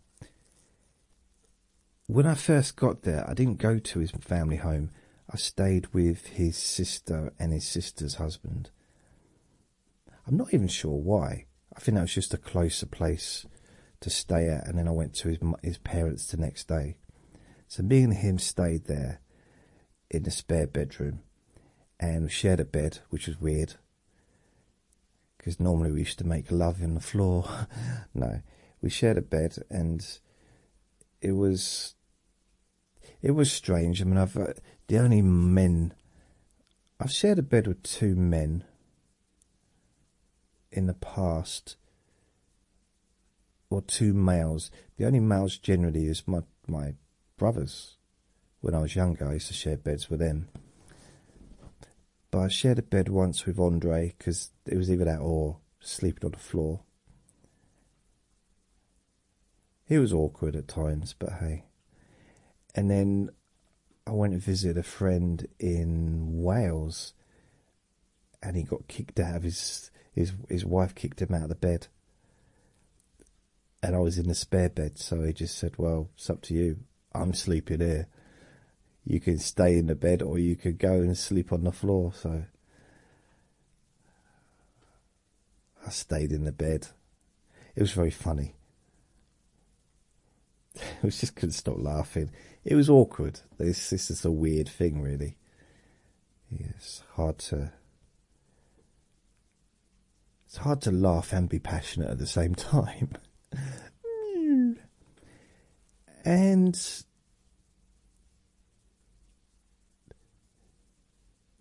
When I first got there, I didn't go to his family home. I stayed with his sister and his sister's husband. I'm not even sure why. I think that was just a closer place to stay at, and then I went to his parents the next day. So me and him stayed there in the spare bedroom and shared a bed, which was weird because normally we used to make love on the floor. no, we shared a bed and it was it was strange. I mean, I've uh, the only men I've shared a bed with two men in the past or two males. The only males generally is my brothers. When I was younger, I used to share beds with them. But I shared a bed once with Andre because it was either that or sleeping on the floor. It was awkward at times, but hey. And then I went and visited a friend in Wales and he got kicked out of his his his wife kicked him out of the bed and I was in the spare bed so he just said well it's up to you I'm sleeping here you can stay in the bed or you could go and sleep on the floor so I stayed in the bed it was very funny I was just couldn't stop laughing it was awkward this this is a weird thing really it's hard to it's hard to laugh and be passionate at the same time. and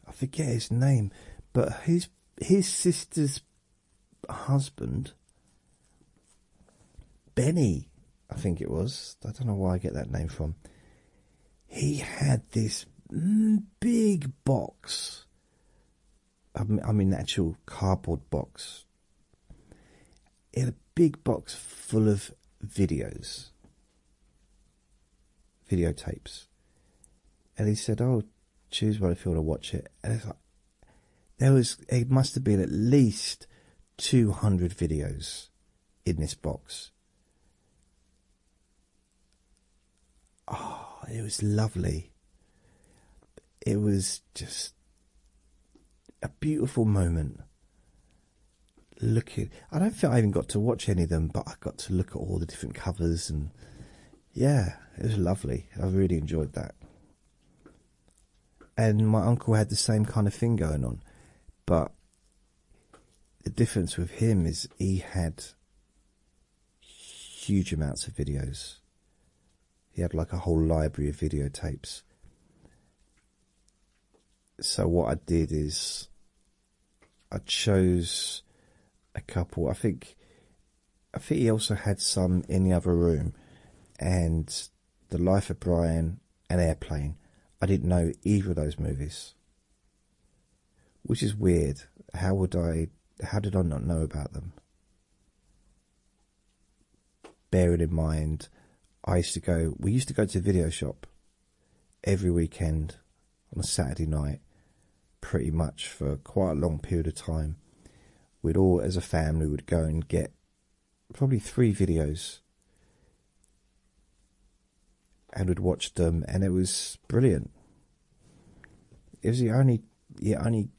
I forget his name, but his his sister's husband Benny I think it was. I don't know where I get that name from. He had this mm, big box. I mean, actual cardboard box. He had a big box full of videos, videotapes, and he said, "Oh, choose what if you want to watch it." And it's like there was it must have been at least two hundred videos in this box. Oh, it was lovely. It was just a beautiful moment. Looking, I don't think I even got to watch any of them, but I got to look at all the different covers, and yeah, it was lovely. I really enjoyed that. And my uncle had the same kind of thing going on, but the difference with him is he had huge amounts of videos. He had like a whole library of videotapes. So what I did is I chose a couple. I think I think he also had some in the other room and the Life of Brian, and Airplane. I didn't know either of those movies. Which is weird. How would I how did I not know about them? Bearing in mind I used to go we used to go to the video shop every weekend on a Saturday night pretty much for quite a long period of time. We'd all as a family would go and get probably three videos and we'd watch them, and it was brilliant. It was the only, the only.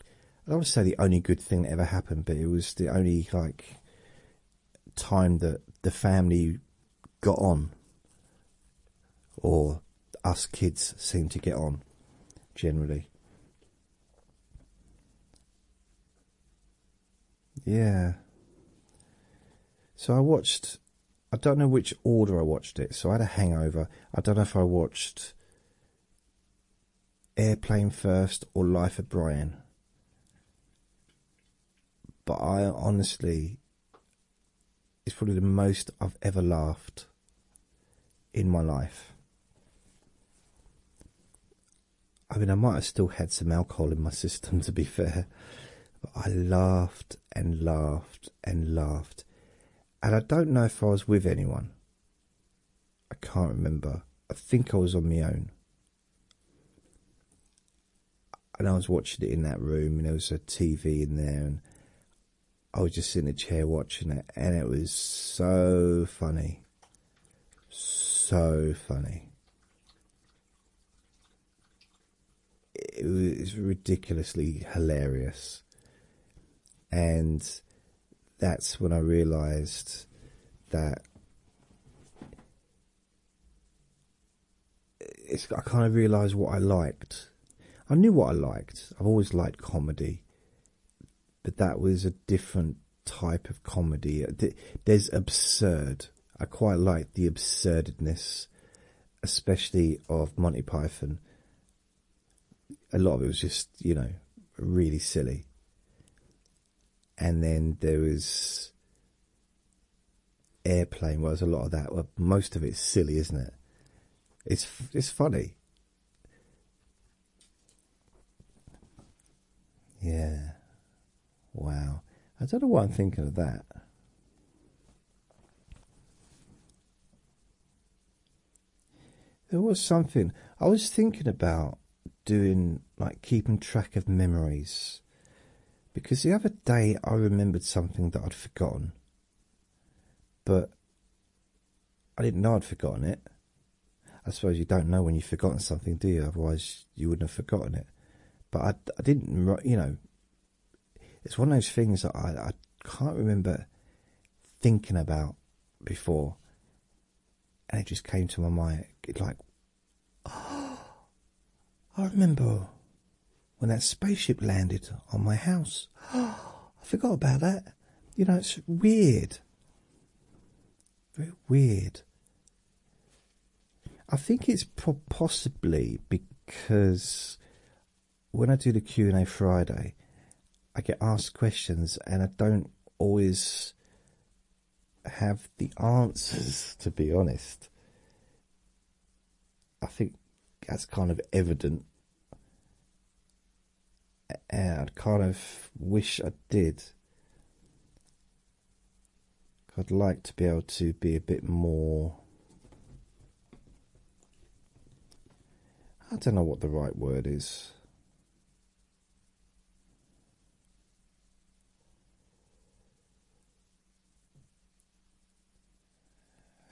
I don't want to say the only good thing that ever happened, but it was the only like time that the family got on, or us kids seemed to get on, generally. Yeah. So I watched. I don't know which order I watched it. So I had a hangover. I don't know if I watched Airplane first or Life of Brian. But I honestly. It's probably the most I've ever laughed in my life. I mean, I might have still had some alcohol in my system to be fair, but I laughed and laughed and laughed, and I don't know if I was with anyone. I can't remember. I think I was on my own. And I was watching it in that room, and there was a TV in there, and I was just in a chair watching it, and it was so funny. So funny it was ridiculously hilarious. And that's when I realized that I kind of realized what I liked. I knew what I liked. I've always liked comedy, but that was a different type of comedy. There's absurd. I quite like the absurdness, especially of Monty Python. A lot of it was just, you know, really silly. And then there was Airplane, where there's a lot of that. most of it's silly, isn't it? It's it's funny. Yeah. Wow, I don't know what I'm thinking of that. There was something I was thinking about doing, like keeping track of memories, because the other day I remembered something that I'd forgotten, but I didn't know I'd forgotten it. I suppose you don't know when you've forgotten something, do you? Otherwise, you wouldn't have forgotten it. But I, didn't, you know, it's one of those things that I, can't remember thinking about before. And it just came to my mind. It's like, oh, I remember when that spaceship landed on my house. I forgot about that. You know, it's weird. Very weird. I think it's possibly because when I do the Q and A Friday, I get asked questions and I don't always have the answers. To be honest, I think that's kind of evident, and I kind of wish I did. I'd like to be able to be a bit more. I don't know what the right word is.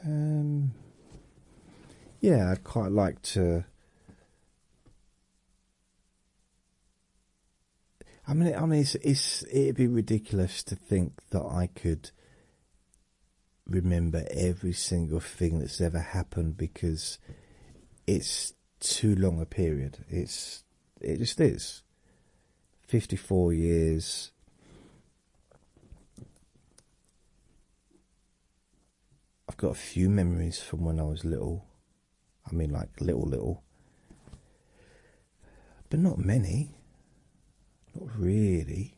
Um, yeah, I'd quite like to I mean, I mean, it's, it'd be ridiculous to think that I could remember every single thing that's ever happened because it's too long a period. It's it just is. Fifty-four years. I've got a few memories from when I was little. I mean, like little, little, but not many, not really.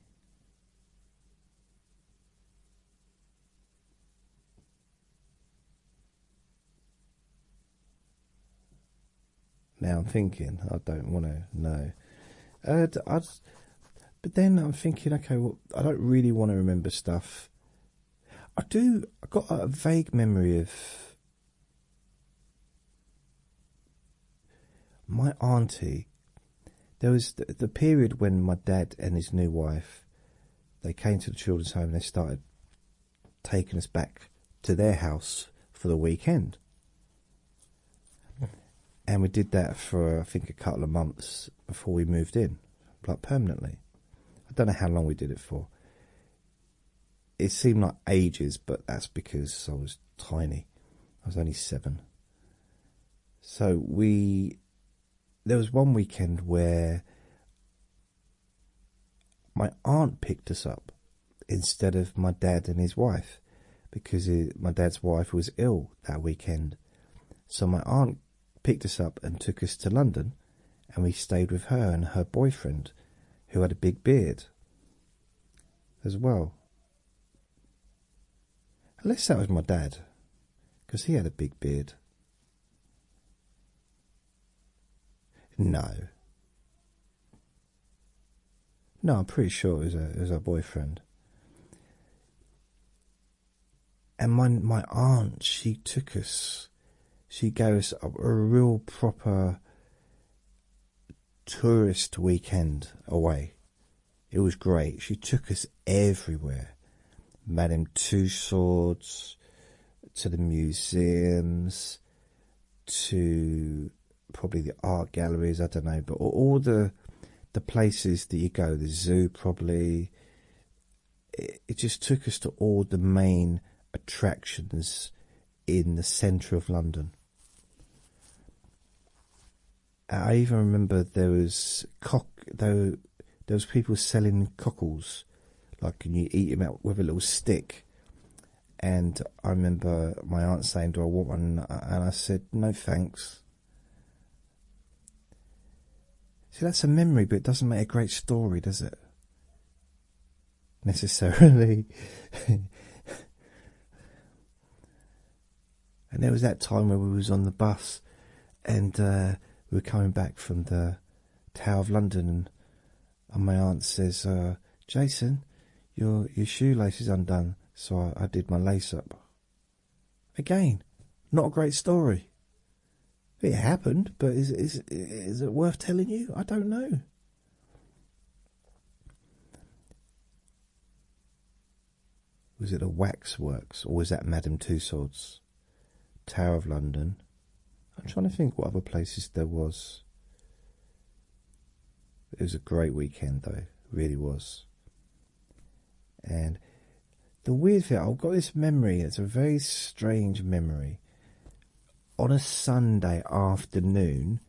Now I'm thinking, I don't want to know. Uh, but then I'm thinking, okay, well, I don't really want to remember stuff. I do. I got a vague memory of my auntie, there was the, period when my dad and his new wife, they came to the children's home and they started taking us back to their house for the weekend. And we did that for I think a couple of months before we moved in, like permanently. I don't know how long we did it for it seemed like ages, but that's because I was tiny. I was only seven. So we there was one weekend where my aunt picked us up instead of my dad and his wife because my dad's wife was ill that weekend. So my aunt picked us up and took us to London and we stayed with her and her boyfriend who had a big beard as well. Unless that was my dad, because he had a big beard. No. No, I'm pretty sure it was, a, boyfriend. And my my aunt, she took us. She gave us a real proper tourist weekend away. It was great. She took us everywhere. Madame Two Swords, to the museums, to probably the art galleries, I don't know, but all the the places that you go, the zoo probably. it just took us to all the main attractions in the centre of London. I even remember there was cock there, there was people selling cockles, like you eat them out with a little stick. And I remember my aunt saying, "Do I want one?" And I said, "No, thanks." See, that's a memory, but it doesn't make a great story, does it? necessarily. and there was that time where we was on the bus and uh, we were coming back from the Tower of London and, my aunt says, uh, Jason, your your shoelace is undone. So I, I did my lace up. Again, not a great story. It happened, but is is is it worth telling you? I don't know. Was it a Waxworks or was that Madame Tussauds? Tower of London. I'm trying to think what other places there was. It was a great weekend though, really was. And the weird thing, I've got this memory, it's a very strange memory on a Sunday afternoon,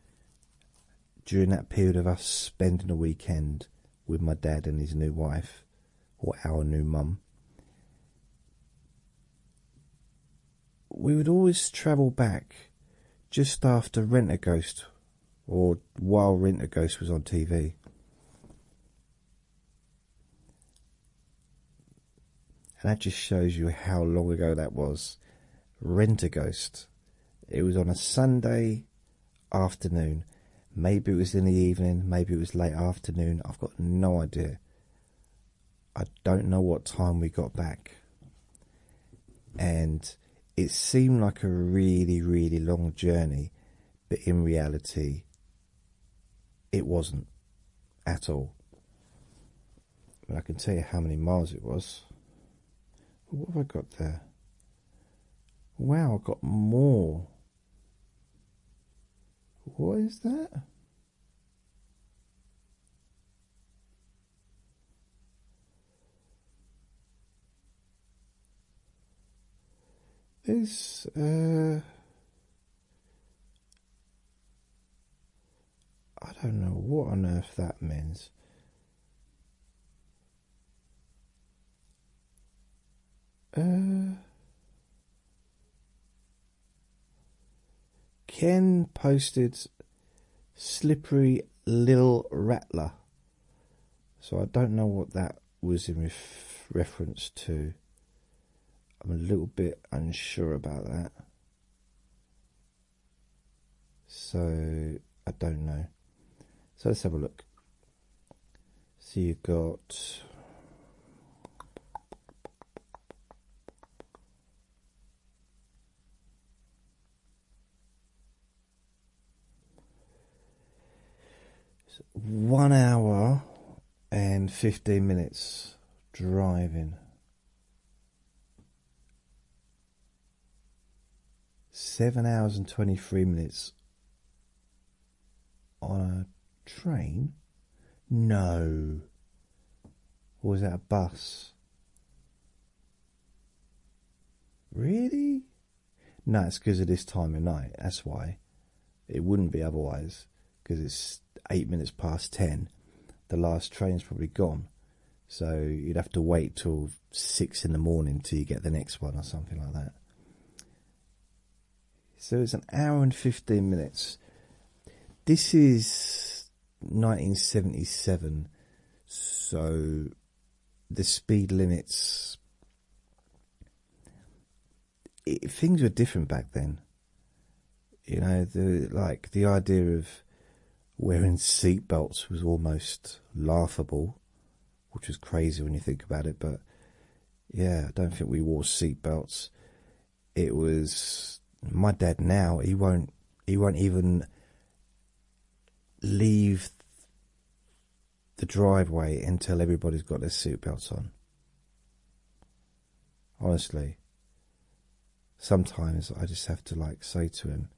during that period of us spending a weekend with my dad and his new wife, or our new mum, we would always travel back just after Rent a Ghost or while Rent a Ghost was on TV. And that just shows you how long ago that was. Rent a Ghost. It was on a Sunday afternoon. Maybe it was in the evening, maybe it was late afternoon. I've got no idea. I don't know what time we got back. And it seemed like a really, really long journey, but in reality, it wasn't at all but I can tell you how many miles it was. What have I got there? Wow, I got more. What is that? There's uh, I don't know what on earth that means. Uh, Ken posted Slippery Lil Rattler. So I don't know what that was in reference to. I'm a little bit unsure about that. So I don't know. So let's have a look. So you've got one hour and 15 minutes driving seven hours and 23 minutes on a train? No. Or was that a bus? Really? No, it's because of this time of night. That's why. It wouldn't be otherwise because it's eight minutes past ten. The last train's probably gone. So you'd have to wait till six in the morning till you get the next one or something like that. So it's an hour and 15 minutes. This is 1977, so the speed limits. things were different back then. You know, the like the idea of Wearing seatbelts was almost laughable, which was crazy when you think about it. But yeah, I don't think we wore seatbelts. It was my dad. Now he won't. He won't even leave the driveway until everybody's got their seatbelts on. Honestly, sometimes I just have to like say to him,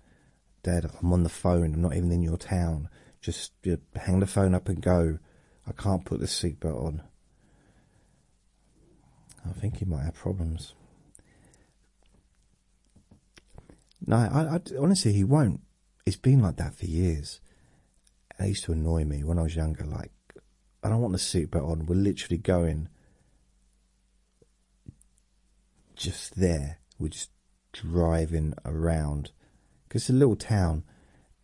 Dad, I'm on the phone, I'm not even in your town. Just hang the phone up and go. I can't put the seatbelt on. I think he might have problems. No, I honestly he won't. It's been like that for years. It used to annoy me when I was younger. Like, I don't want the seatbelt on. We're literally going just there. We're just driving around because it's a little town,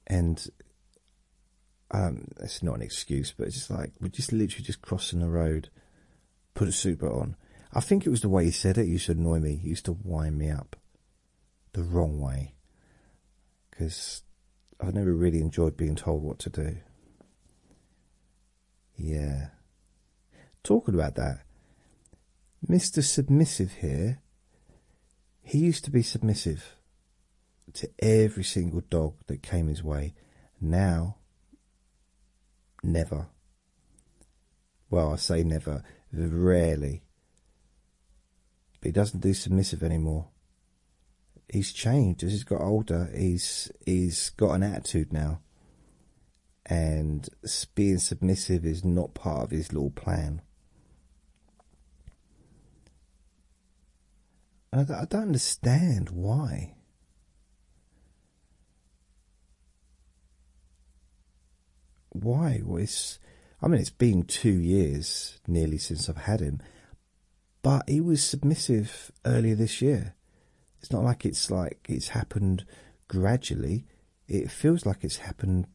and um, it's not an excuse, but it's just like we're just literally just crossing the road. Put a super on. I think it was the way he said it. He used to annoy me. He used to wind me up the wrong way because I've never really enjoyed being told what to do. Yeah. Talking about that, Mr. Submissive here, he used to be submissive to every single dog that came his way. Now, never. Well, I say never, rarely. But he doesn't do submissive anymore. He's changed as he's got older. He's he's got an attitude now and being submissive is not part of his little plan. And I, don't understand why. Why was I mean it's been two years nearly since I've had him, but he was submissive earlier this year. It's not like it's like it's happened gradually. It feels like it's happened.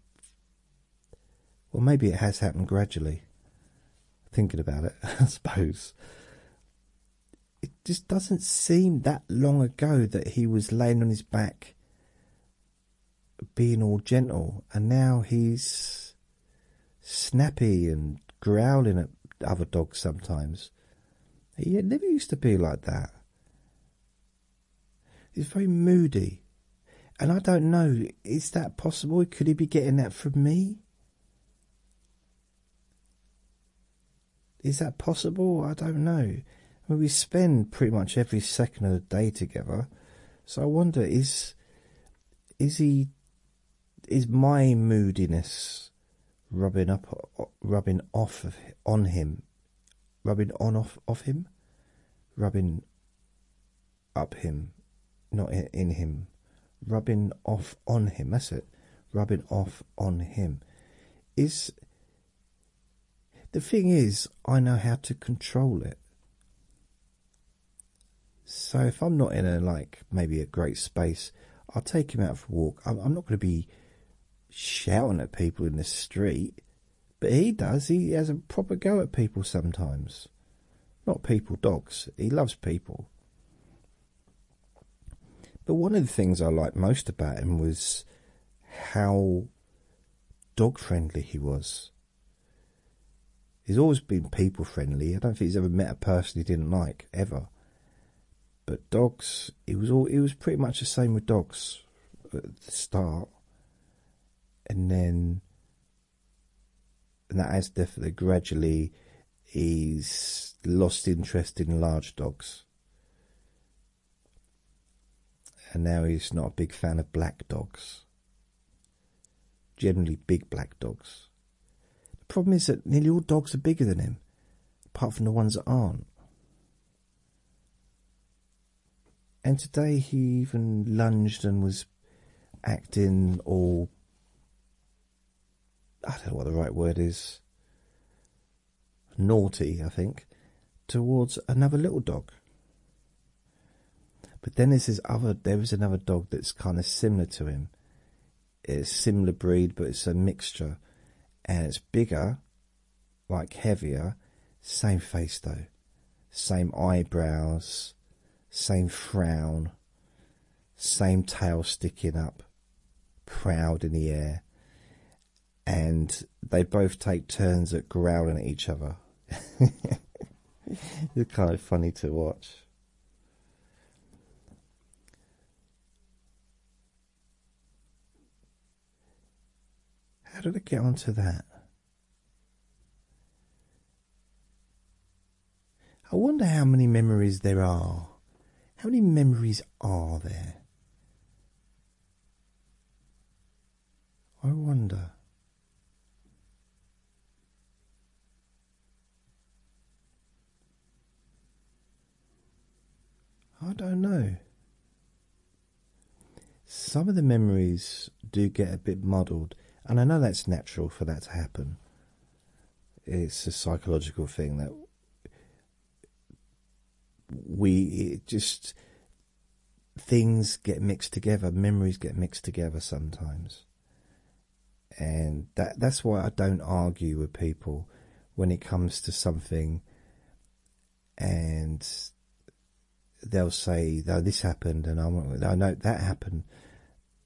Well, maybe it has happened gradually. Thinking about it, I suppose. It just doesn't seem that long ago that he was laying on his back, being all gentle, and now he's snappy and growling at other dogs sometimes. He never used to be like that. He's very moody. And I don't know, is that possible? Could he be getting that from me? Is that possible? I don't know. I mean, we spend pretty much every second of the day together. So I wonder is is he is my moodiness rubbing up rubbing off on him, rubbing on off of him, rubbing up him, not in, him, rubbing off on him. That's it, rubbing off on him. Is the thing is, I know how to control it. So if I'm not in a like maybe a great space, I'll take him out for a walk. I'm not going to be shouting at people in the street, but he does. He has a proper go at people sometimes. Not people, dogs. He loves people. But one of the things I liked most about him was how dog friendly he was. He's always been people friendly. I don't think he's ever met a person he didn't like, ever. But dogs, it was all it was pretty much the same with dogs at the start, and then and that has definitely gradually he's lost interest in large dogs, and now he's not a big fan of black dogs. Generally, big black dogs. The problem is that nearly all dogs are bigger than him, apart from the ones that aren't. And today he even lunged and was acting all. I don't know what the right word is. Naughty, I think, towards another little dog. But then there's this other. There is another dog that's kind of similar to him. It's similar breed, but it's a mixture, and it's bigger like heavier, same face though, same eyebrows, same frown, same tail sticking up, proud in the air, and they both take turns at growling at each other. it's kind of funny to watch. How did I get onto that? I wonder how many memories there are. How many memories are there? I wonder. I don't know. Some of the memories do get a bit muddled, and I know that's natural for that to happen. It's a psychological thing that we just things get mixed together, memories get mixed together sometimes. And that's why I don't argue with people when it comes to something and they'll say, "Though this happened," and I'm like, "I know that happened."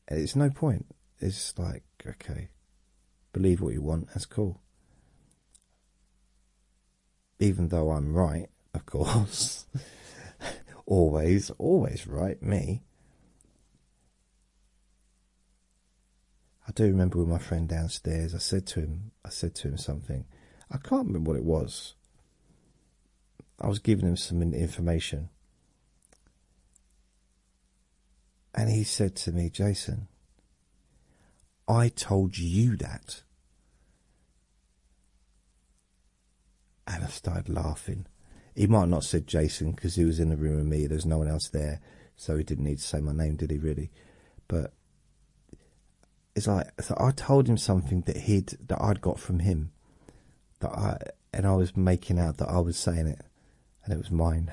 It's no point. It's like, okay, believe what you want. That's cool. Even though I'm right, of course, always, always right. Me. I do remember with my friend downstairs. I said to him, I said to him something. I can't remember what it was. I was giving him some information. And he said to me, Jason, I told you that. And I started laughing. He might not said Jason because he was in the room with me. There's no one else there. So he didn't need to say my name, did he, really? But it's like I told him something that he'd that I'd got from him, that I and I was making out that I was saying it, and it was mine,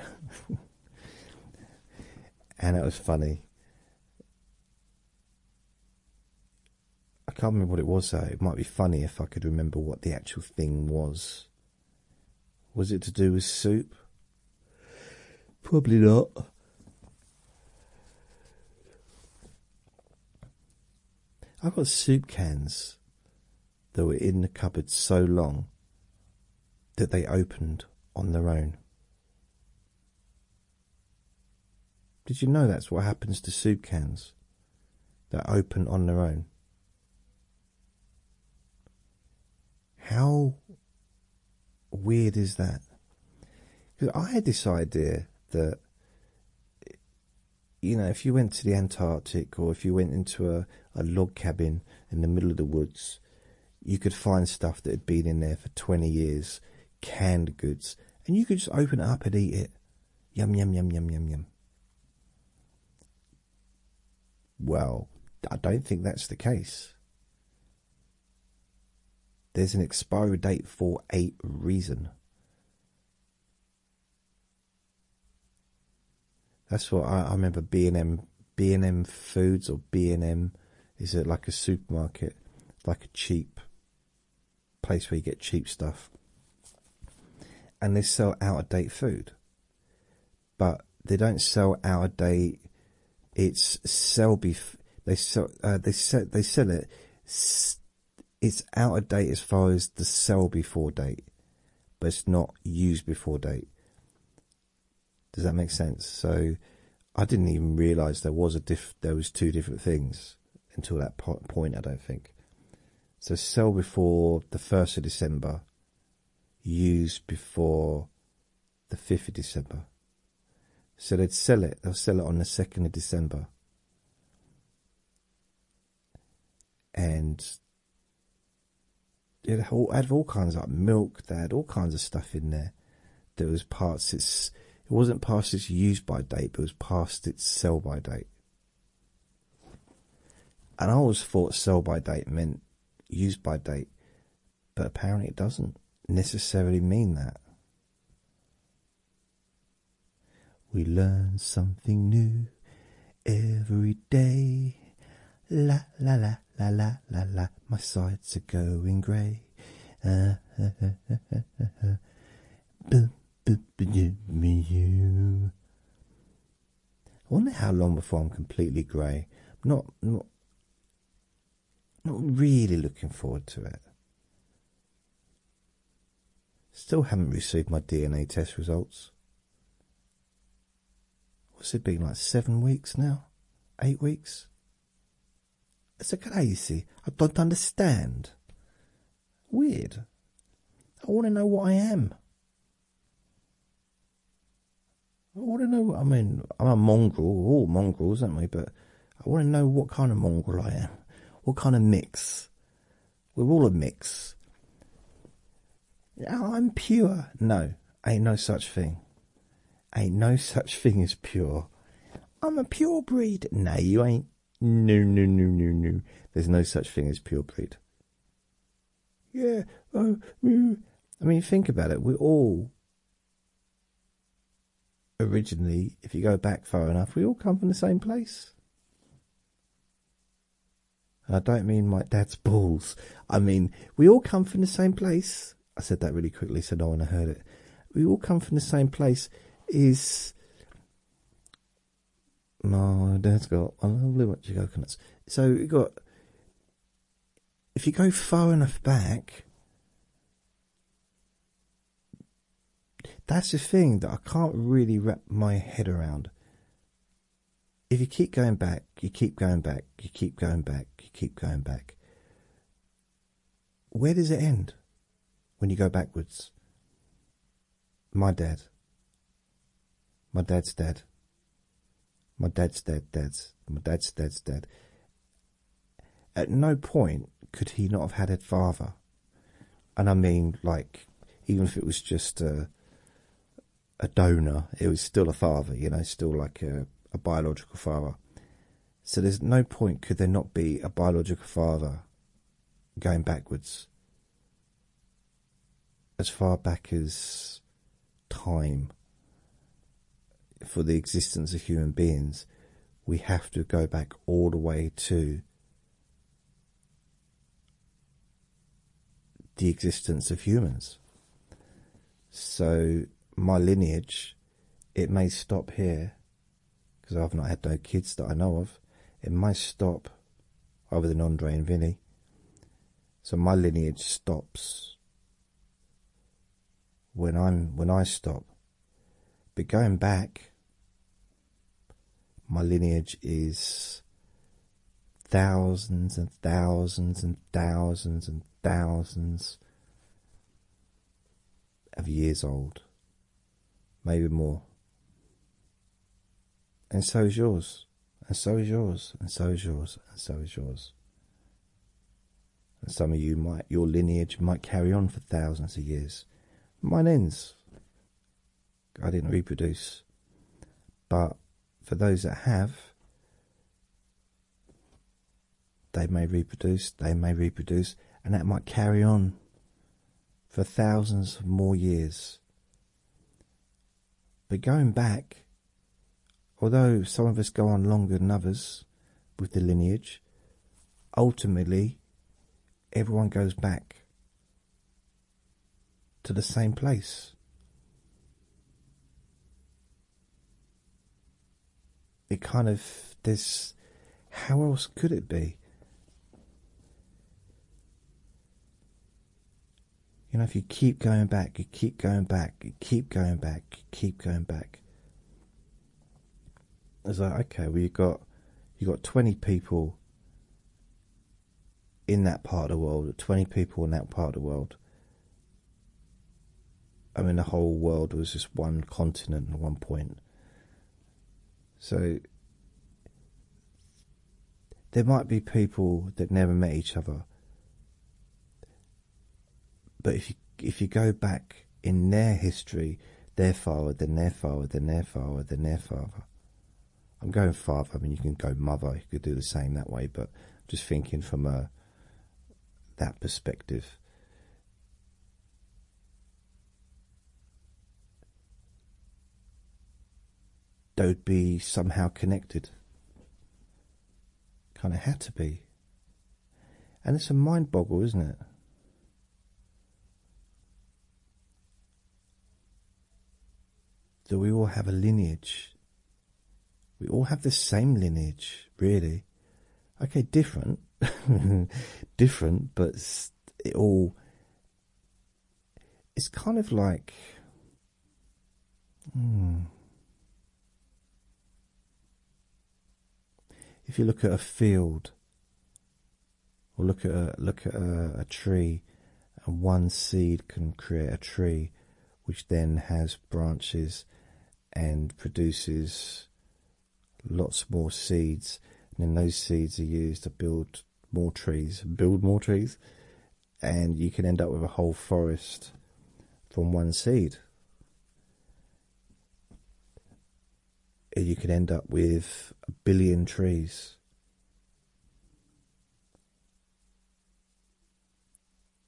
and it was funny. I can't remember what it was though. It might be funny if I could remember what the actual thing was. Was it to do with soup? Probably not. I've got soup cans that were in the cupboard so long that they opened on their own. Did you know that's what happens to soup cans that open on their own? How weird is that? Because I had this idea that, you know, if you went to the Antarctic or if you went into a, log cabin in the middle of the woods, you could find stuff that had been in there for 20 years, canned goods, and you could just open it up and eat it. Yum, yum, yum, yum, yum, yum. Well, I don't think that's the case. There's an expiry date for a reason. That's what I, remember. B and M, B and M Foods or B and M is it like a supermarket, like a cheap place where you get cheap stuff, and they sell out of date food, but they don't sell out of date it's sell before They sell. Uh, they sell. They sell it. It's out of date as far as the sell before date, but it's not used before date. Does that make sense? So, I didn't even realise there was a There was two different things until that point. I don't think. So sell before the first of December. Use before the fifth of December. So they'd sell it. They'll sell it on the second of December. And it had all kinds of like milk. They had all kinds of stuff in there. There was parts it's it wasn't past its use by date, but it was past its sell by date. And I always thought sell by date meant use by date but apparently it doesn't necessarily mean that. We learn something new every day. La la la la la la la. My sides are going grey. Uh, uh, uh, uh, uh, uh. Boop, boop, boop, me you. I wonder how long before I'm completely grey. Not, not not really looking forward to it. Still haven't received my DNA test results. What's it been like seven weeks now? Eight weeks? It's crazy. I don't understand. Weird. I want to know what I am. I want to know. I mean, I'm a mongrel. all mongrels, aren't we? But I want to know what kind of mongrel I am, what kind of mix. We're all a mix. I'm pure. No, ain't no such thing. Ain't no such thing as pure. I'm a pure breed. No, you ain't. No, no, no, no, no. There's no such thing as pure breed. Yeah. Uh, I mean, think about it. We're all originally, if you go back far enough, we all come from the same place. I don't mean my dad's balls. I mean, we all come from the same place. I said that really quickly so no one heard it. We all come from the same place is. My dad's got a lovely bunch of coconuts. So you got. If you go far enough back, that's the thing that I can't really wrap my head around. If you keep going back, you keep going back, you keep going back, you keep going back. Where does it end when you go backwards? My dad. My dad's dead. My dad's dead, dad's. My dad's dad's dead. At no point could he not have had a father. And I mean, like, even if it was just a, donor, it was still a father, you know, still like a biological father. So there's no point could there not be a biological father going backwards as far back as time for the existence of human beings, we have to go back all the way to the existence of humans. So, my lineage, it may stop here because I've not had no kids that I know of. It might stop over the non and Vinny. So my lineage stops when I'm when I stop. But going back, my lineage is thousands and thousands and thousands and thousands of years old, maybe more. And so is yours, and so is yours, and so is yours, and so is yours and some of you might your lineage might carry on for thousands of years. Mine ends. I didn't reproduce, but for those that have, they may reproduce, they may reproduce, and that might carry on for thousands of more years. But going back, although some of us go on longer than others, with the lineage. Ultimately, everyone goes back to the same place. It kind of, there's, how else could it be? You know, if you keep going back, you keep going back, you keep going back, keep going back. It's like okay, well you got you got twenty people in that part of the world, twenty people in that part of the world. I mean, the whole world was just one continent at one point. So there might be people that never met each other but if you if you go back in their history, their father, then their father, then their father, then their father. I'm going father. I mean, you can go mother. You could do the same that way, but just thinking from a that perspective. They would be somehow connected. Kind of had to be. And it's a mind boggle, isn't it? That we all have a lineage. We all have the same lineage, really. Okay, different. different, but it all. It's kind of like. Hmm. If you look at a field or look at a, look at a tree, and one seed can create a tree, which then has branches and produces lots more seeds. And then those seeds are used to build more trees, build more trees, and you can end up with a whole forest from one seed. Eh, you can end up with a billion trees.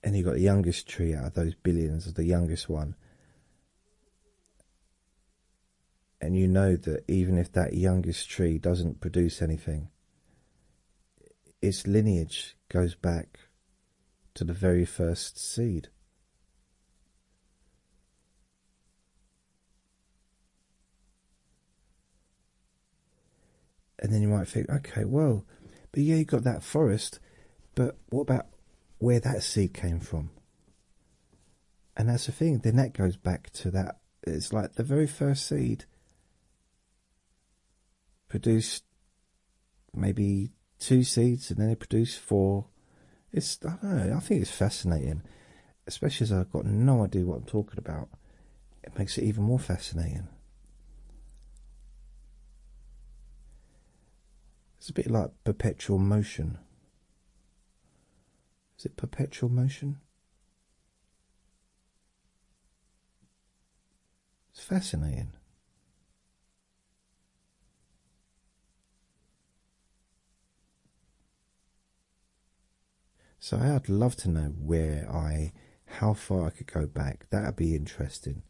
And you've got the youngest tree out of those billions, the youngest one. And you know that even if that youngest tree doesn't produce anything, its lineage goes back to the very first seed. And then you might think, okay, well, but yeah, you got that forest, but what about where that seed came from? And that's the thing, then that goes back to that. It's like the very first seed produced maybe two seeds, and then it produced four, it's I I think it's fascinating, especially as I've got no idea what I'm talking about. It makes it even more fascinating. It's a bit like perpetual motion. Is it perpetual motion? It's fascinating. So I'd love to know where I, how far I could go back. That'd be interesting.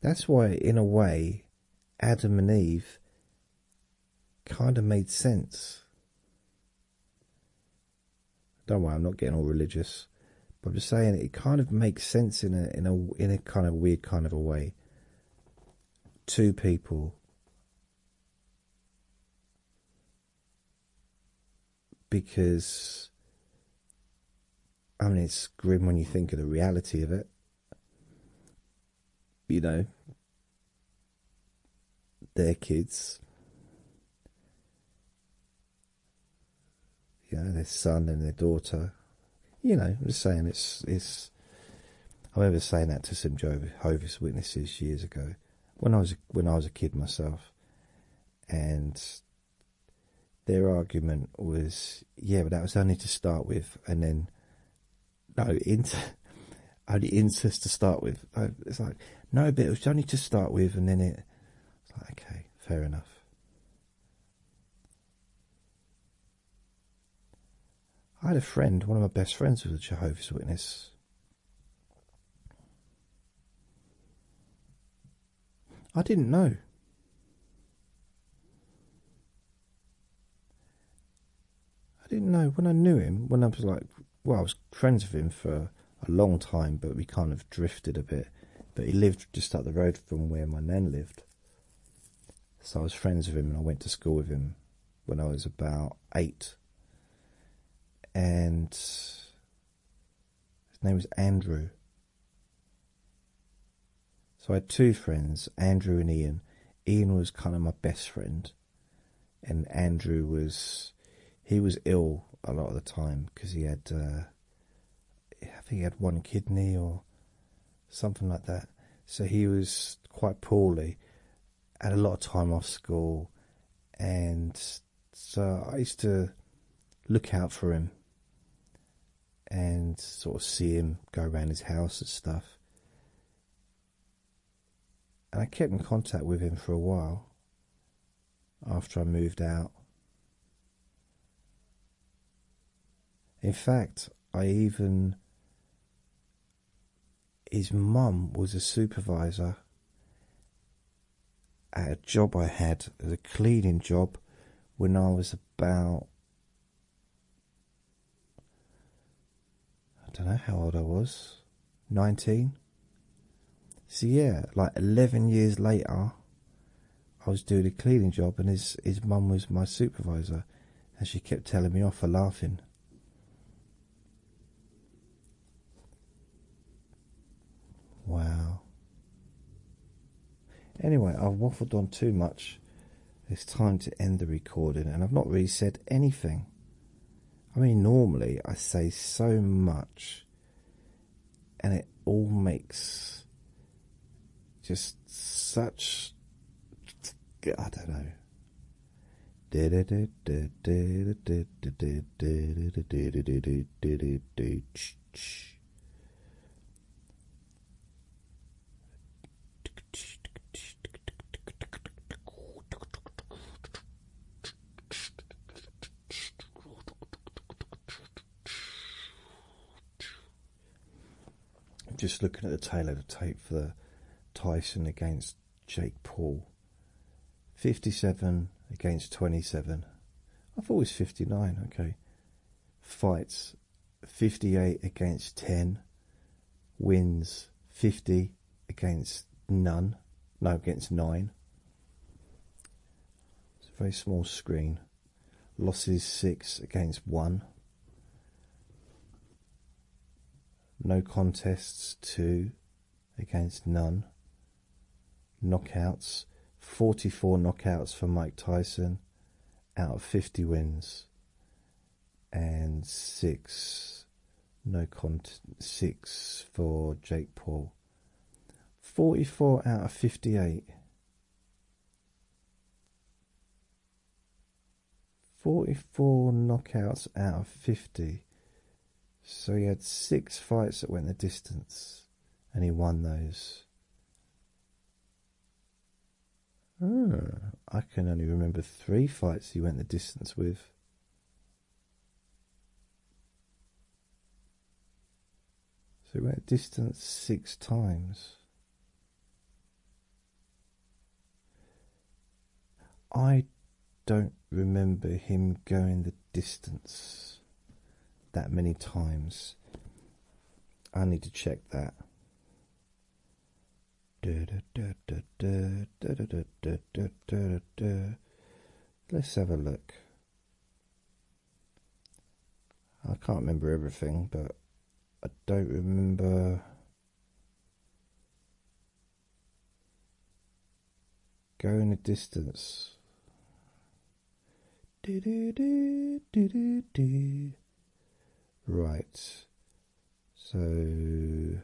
That's why, in a way, Adam and Eve kind of made sense. Don't worry, I'm not getting all religious. I'm just saying it kind of makes sense in a in a in a kind of weird kind of a way. Two people because I mean it's grim when you think of the reality of it. You know, their kids you know, their son and their daughter. You know, I'm just saying it's it's. I remember saying that to some Jehovah's Witnesses years ago, when I was when I was a kid myself, and their argument was, yeah, but that was only to start with, and then no, only incest to start with. It's like no, but it was only to start with, and then it. It's like okay, fair enough. I had a friend, one of my best friends was a Jehovah's Witness. I didn't know. I didn't know when I knew him, when I was like, well, I was friends with him for a long time, but we kind of drifted a bit. But he lived just up the road from where my nan lived. So I was friends with him and I went to school with him when I was about eight. And his name was Andrew. So I had two friends, Andrew and Ian. Ian was kind of my best friend, and Andrew was he was ill a lot of the time because he had uh, I think he had one kidney or something like that. So he was quite poorly, had a lot of time off school, and so I used to look out for him and sort of see him go around his house and stuff. And I kept in contact with him for a while after I moved out. In fact, I even his mum was a supervisor at a job I had a cleaning job when I was about I don't know how old I was 19 so yeah like 11 years later I was doing a cleaning job, and his his mum was my supervisor, and she kept telling me off for laughing. Wow. Anyway, I've waffled on too much. It's time to end the recording, and I've not really said anything. I mean, normally I say so much, and it all makes just such. I don't know. Just looking at the tail of the tape for Tyson against Jake Paul. 57 against 27. I thought it was 59, okay. Fights 58 against 10. Wins 50 against none. No, against 9. It's a very small screen. Losses six against one. No contests two against none. Knockouts 44 knockouts for Mike Tyson out of 50 wins and six no con six for Jake Paul. 44 out of 58. 44 knockouts out of 50. So he had six fights that went the distance and he won those. Ah, I can only remember three fights he went the distance with. So we went distance six times. I don't remember him going the distance that many times. I need to check that. Let's have a look. I can't remember everything, but I don't remember going a distance. Right, so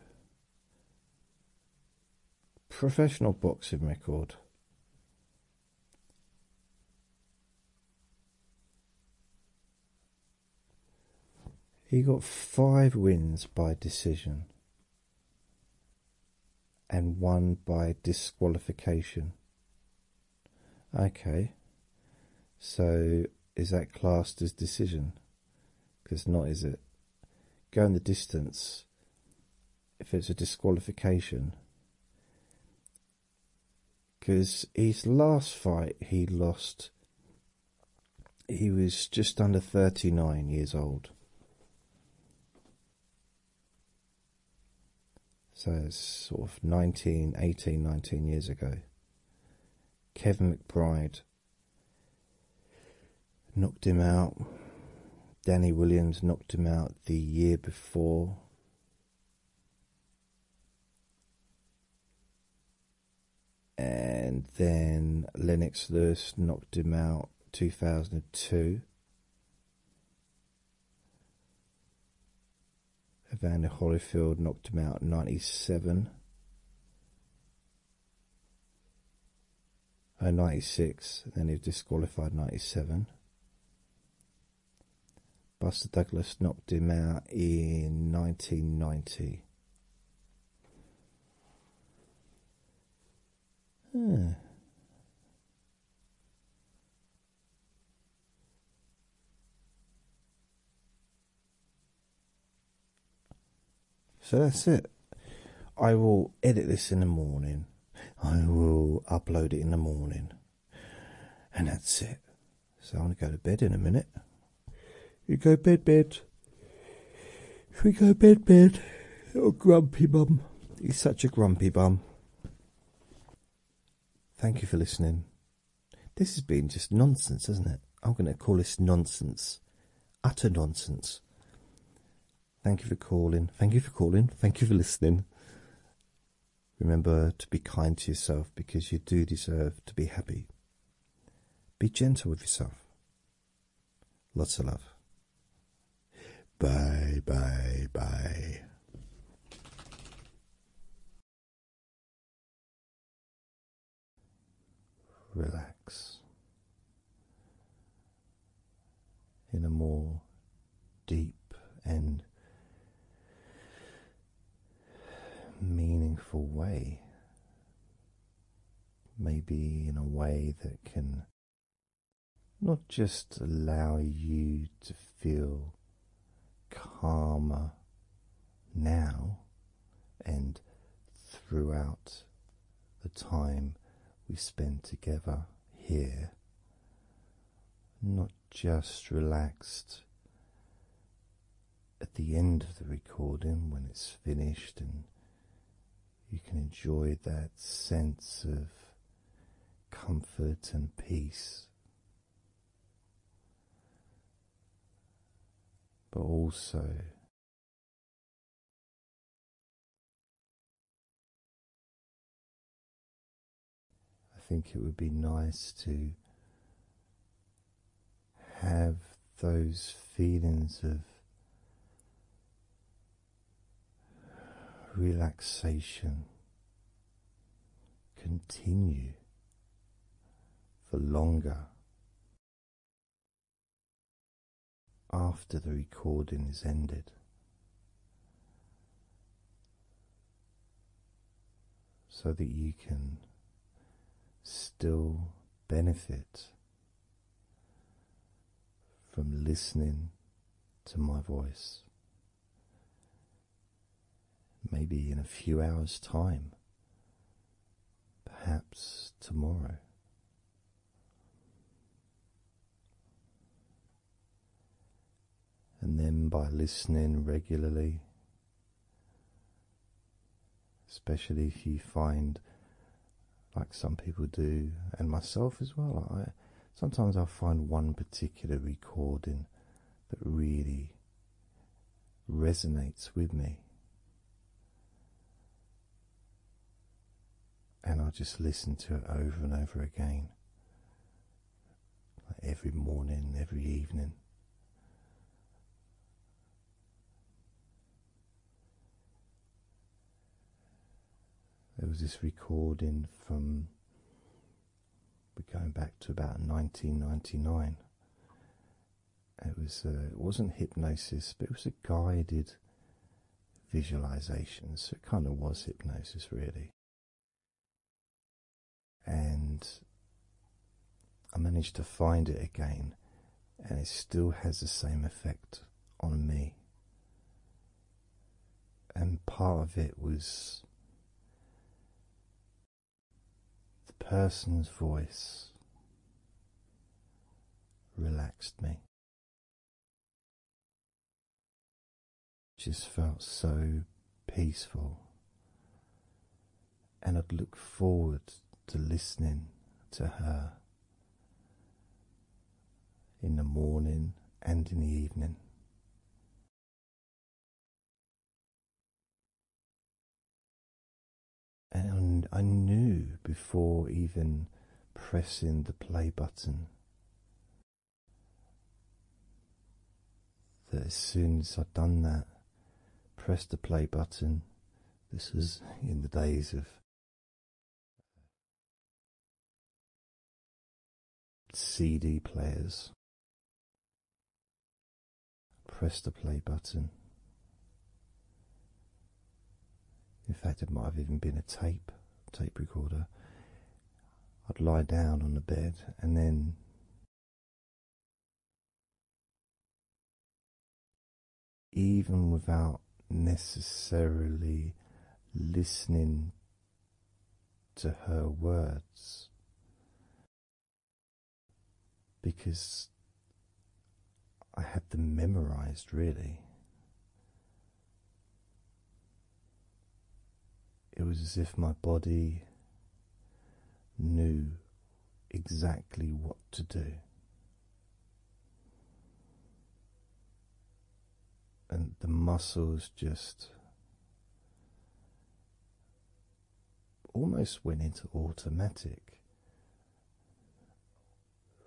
professional boxing record. He got five wins by decision and one by disqualification. Okay, so is that classed as decision? Because not, is it? Going the distance, if it's a disqualification, because his last fight he lost, he was just under 39 years old. So it's sort of 19, 18, 19 years ago. Kevin McBride knocked him out. Danny Williams knocked him out the year before and then Lennox Lewis knocked him out 2002. Evander Holyfield knocked him out 97. Uh, 96, then he was disqualified 97. Buster Douglas knocked him out in nineteen ninety. So that's it. I will edit this in the morning. I will upload it in the morning and that's it. So I'm gonna go to bed in a minute. You go bed, bed. We go bed, bed. Little oh, grumpy bum. He's such a grumpy bum. Thank you for listening. This has been just nonsense, has not it? I'm going to call this nonsense. Utter nonsense. Thank you for calling. Thank you for calling. Thank you for listening. Remember to be kind to yourself because you do deserve to be happy. Be gentle with yourself. Lots of love. Bye, bye, bye. Relax in a more deep and meaningful way. Maybe in a way that can not just allow you to feel calmer now and throughout the time we spend together here, not just relaxed at the end of the recording when it's finished and you can enjoy that sense of comfort and peace. But also I think it would be nice to have those feelings of relaxation continue for longer after the recording is ended so that you can still benefit from listening to my voice. Maybe in a few hours' time, perhaps tomorrow. And then by listening regularly especially if you find like some people do and myself as well i sometimes i'll find one particular recording that really resonates with me and i'll just listen to it over and over again like every morning every evening there was this recording from going back to about 1999. It was uh, it wasn't hypnosis, but it was a guided visualization, so it kind of was hypnosis, really and I managed to find it again, and it still has the same effect on me. And part of it was the person's voice relaxed me. Just felt so peaceful and I'd look forward to listening to her in the morning and in the evening. And I knew before even pressing the play button that as soon as I'd done that, press the play button. This was in the days of CD players. Press the play button. In fact, it might have even been a tape, tape recorder. I'd lie down on the bed and then even without necessarily listening to her words, because I had them memorized really. It was as if my body knew exactly what to do. And the muscles just almost went into automatic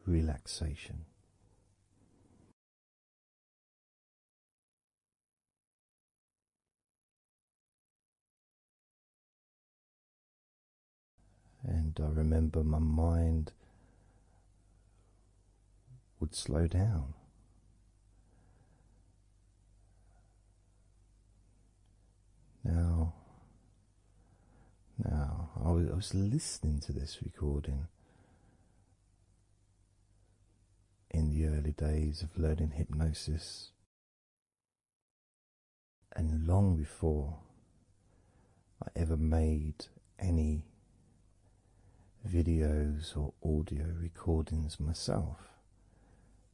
relaxation. And I remember my mind would slow down. Now, now I was, I was listening to this recording in the early days of learning hypnosis. And long before I ever made any videos or audio recordings myself,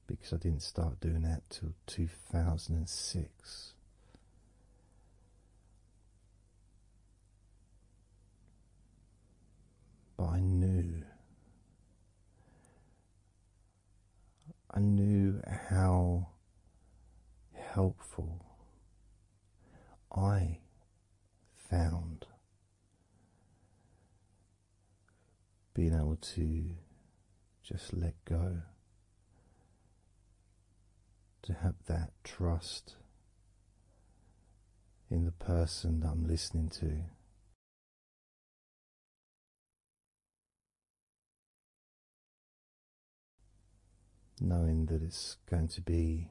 because I didn't start doing that till 2006. But I knew I knew how helpful I found being able to just let go, to have that trust in the person I'm listening to, Knowing that it's going to be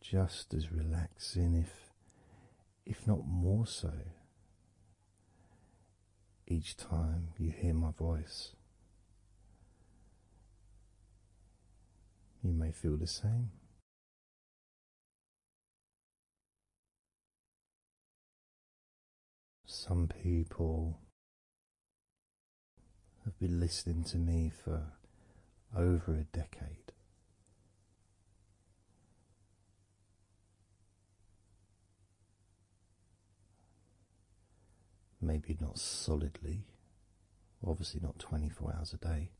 just as relaxing, if if not more so, each time you hear my voice. You may feel the same. Some people have been listening to me for over a decade. Maybe not solidly, obviously not 24 hours a day,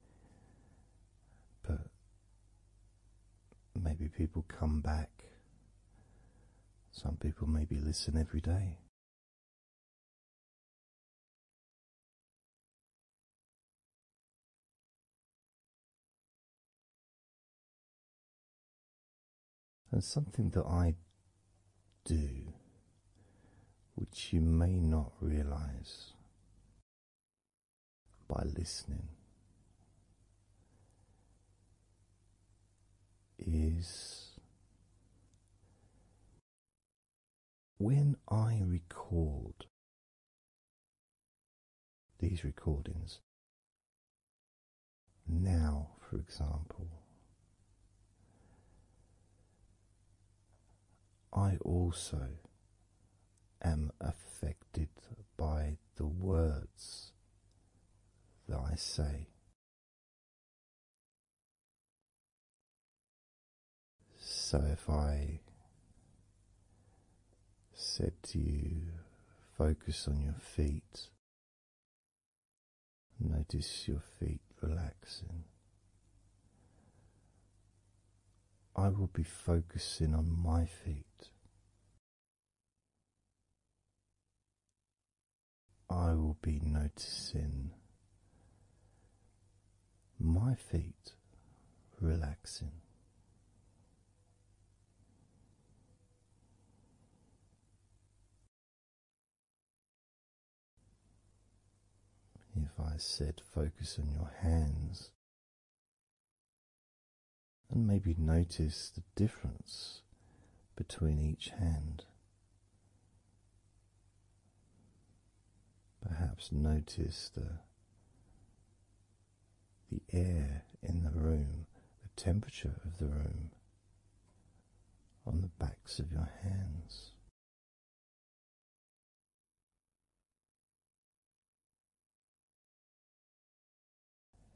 but maybe people come back. Some people maybe listen every day. And something that I do, which you may not realize, by listening is when I record these recordings now, for example. I also am affected by the words that I say. So if I said to you, focus on your feet, notice your feet relaxing. I will be focusing on my feet. I will be noticing my feet relaxing. If I said focus on your hands, and maybe notice the difference between each hand. Perhaps notice the the air in the room, the temperature of the room on the backs of your hands.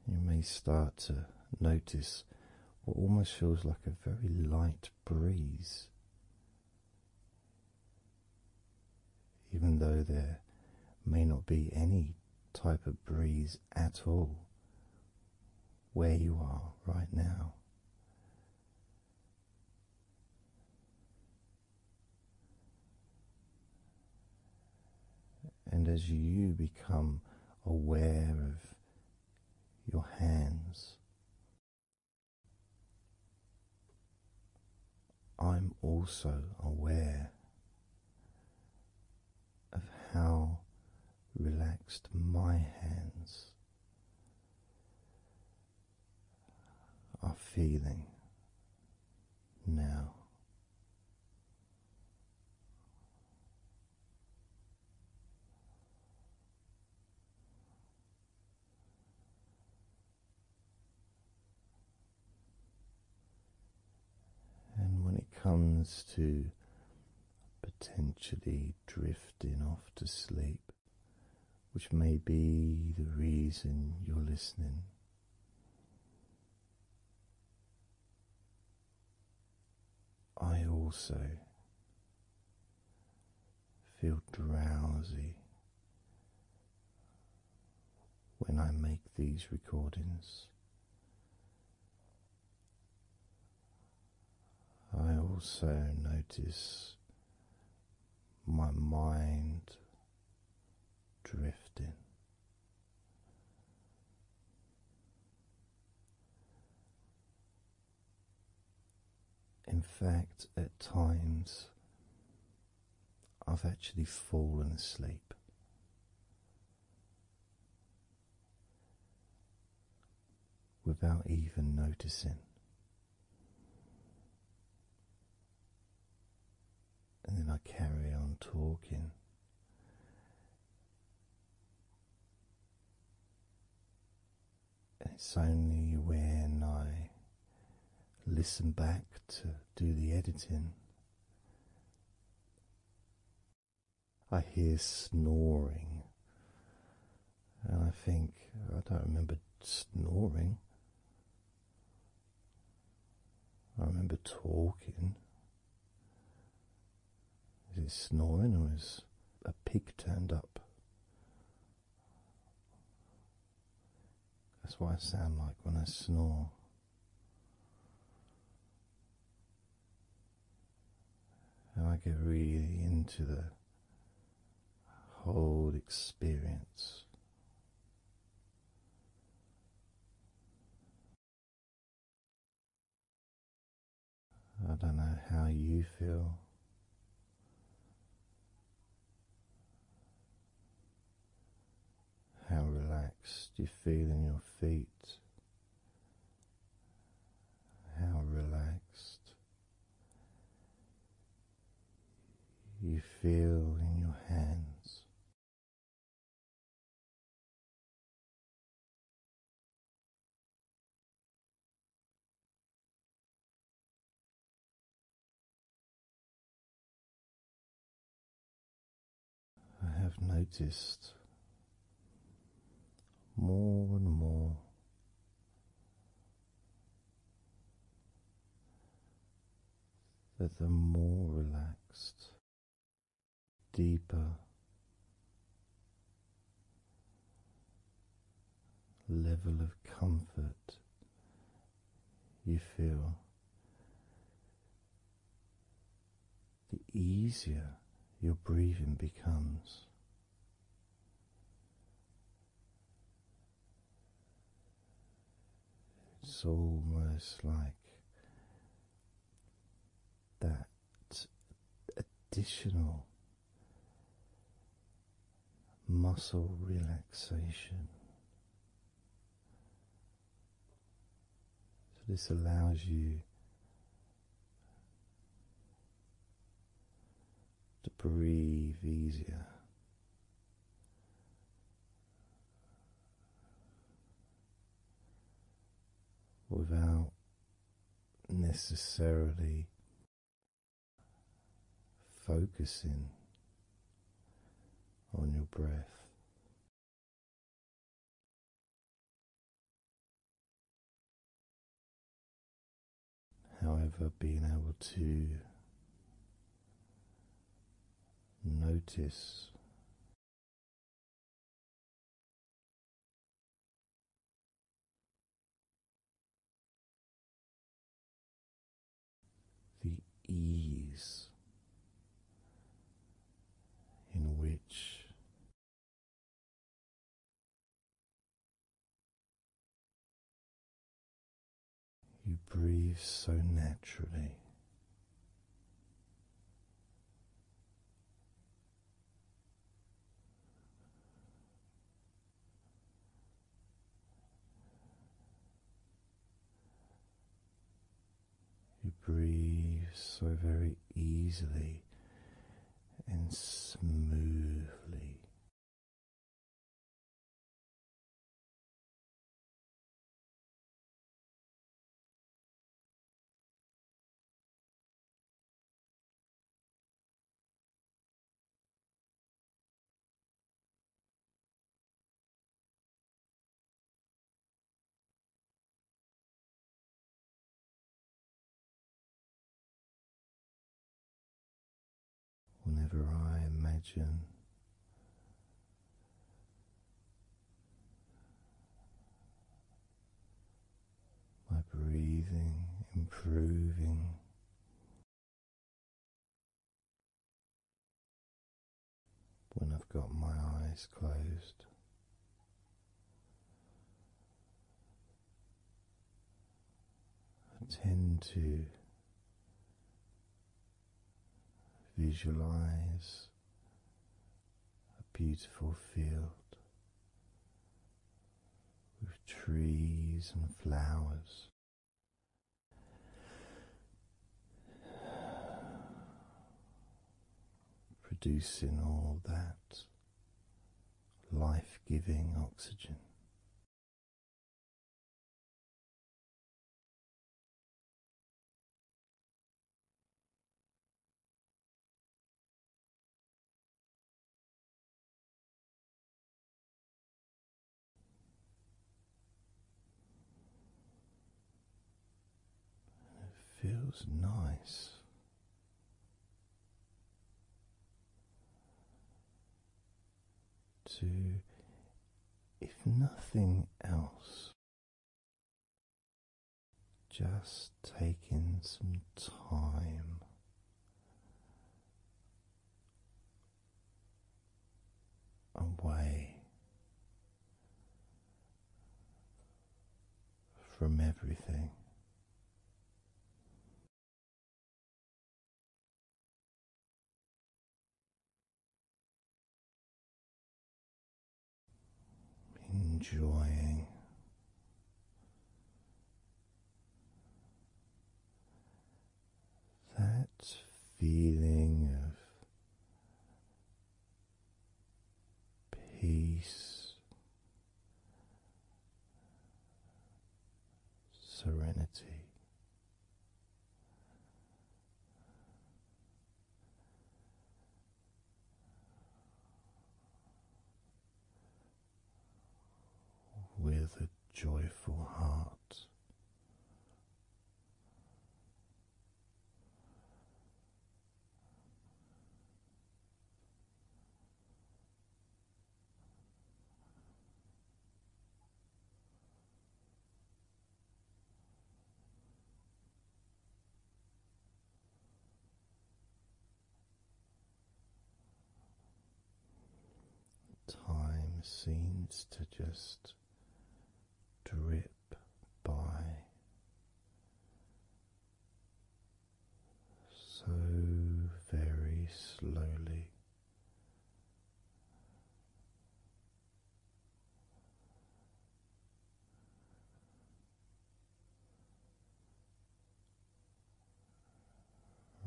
You may start to notice what almost feels like a very light breeze, even though there may not be any type of breeze at all where you are right now. And as you become aware of your hands, I'm also aware of how relaxed my hands are feeling now. And when it comes to potentially drifting off to sleep, which may be the reason you're listening. I also feel drowsy when I make these recordings. I also notice my mind drifting. In fact, at times I've actually fallen asleep. Without even noticing, and then I carry on talking. And it's only when I listen back to do the editing. I hear snoring, and I think I don't remember snoring. I remember talking, is it snoring or is a pig turned up? That's what I sound like when I snore. And I get really into the whole experience. I don't know how you feel. How relaxed you feel in your feet, how relaxed you feel in your hands, I have noticed more and more. That the more relaxed deeper level of comfort you feel, the easier your breathing becomes. It's almost like that additional muscle relaxation. So, this allows you to breathe easier without necessarily focusing on your breath. However, being able to notice the ease in which you breathe so naturally. You breathe so very easily and smoothly. Whenever I imagine my breathing improving. When I've got my eyes closed, I tend to visualize a beautiful field with trees and flowers. Producing all that life giving oxygen it feels nice. To, if nothing else, just taking some time away from everything enjoying that feeling of peace, serenity with a joyful heart. Time seems to just drip by so very slowly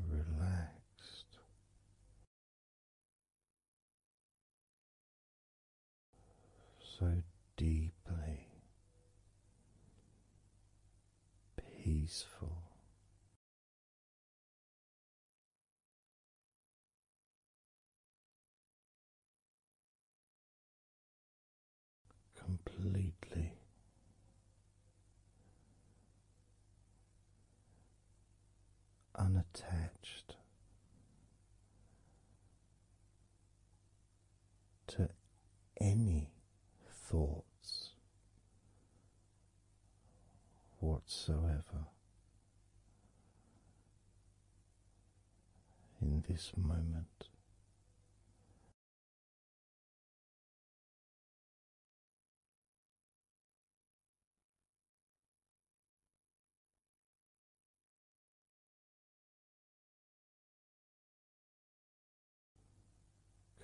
relaxed. So deeply peaceful completely. Unattached to any thoughts whatsoever, in this moment.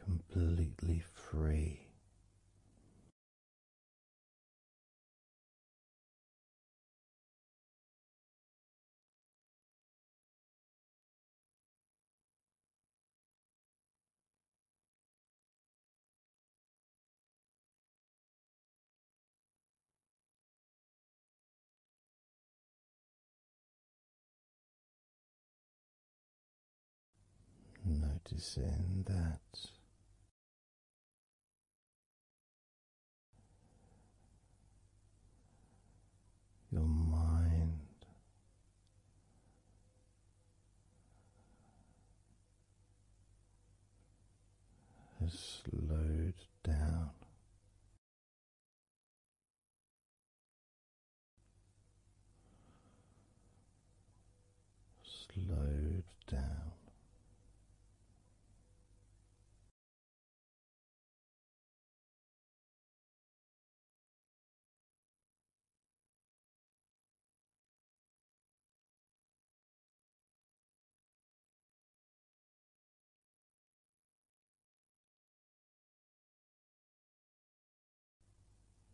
Completely free. Noticing that your mind. Has slowed down. Slowed down,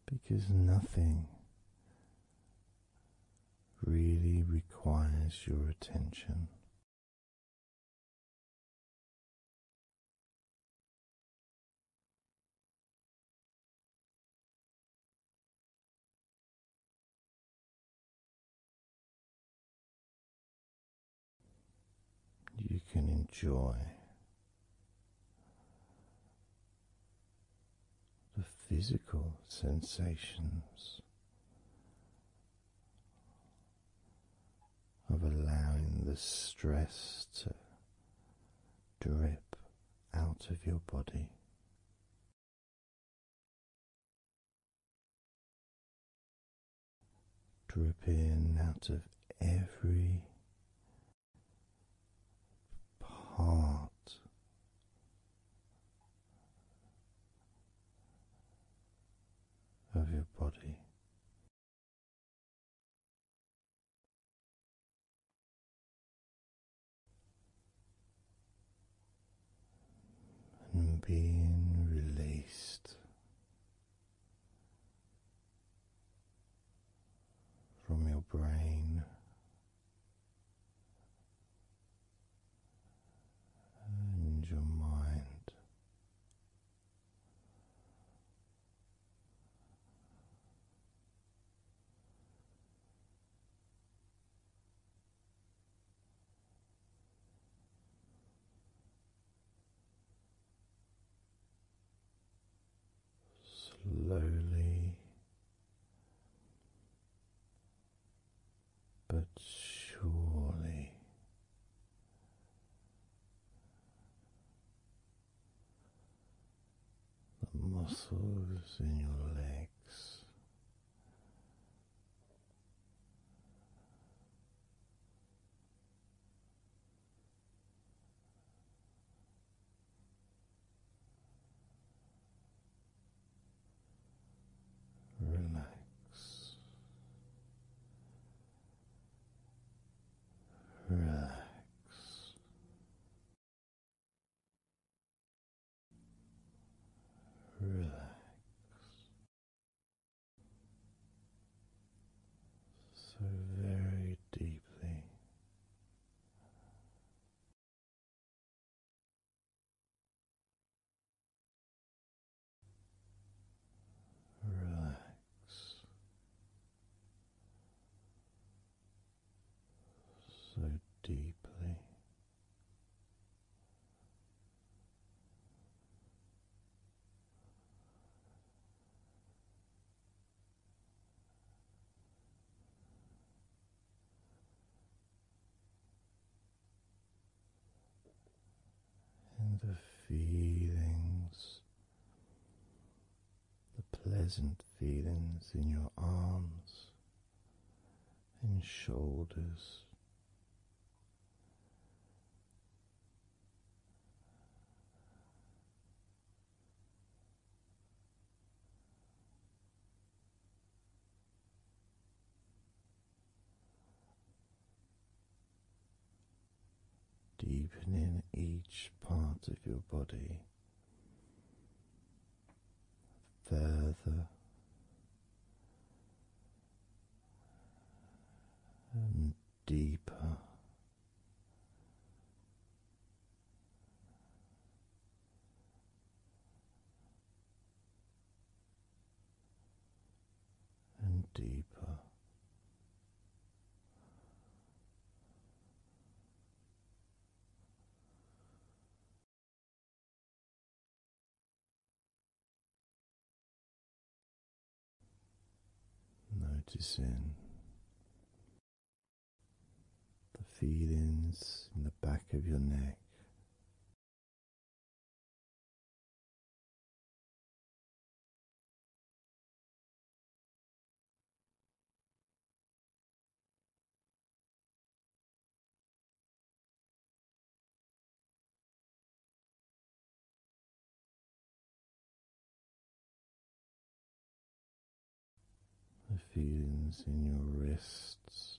because nothing really requires your attention you can enjoy the physical sensations of allowing the stress to drip out of your body. Drip in out of every part of your body and being released from your brain. And your mind, Slowly but surely the muscles in your legs. Relax Relax. Relax. So very deeply. Relax. So deeply, and the feelings, the pleasant feelings in your arms and shoulders deepening each part of your body further and deeper and deeper. Noticing the feelings in the back of your neck, the feelings in your wrists,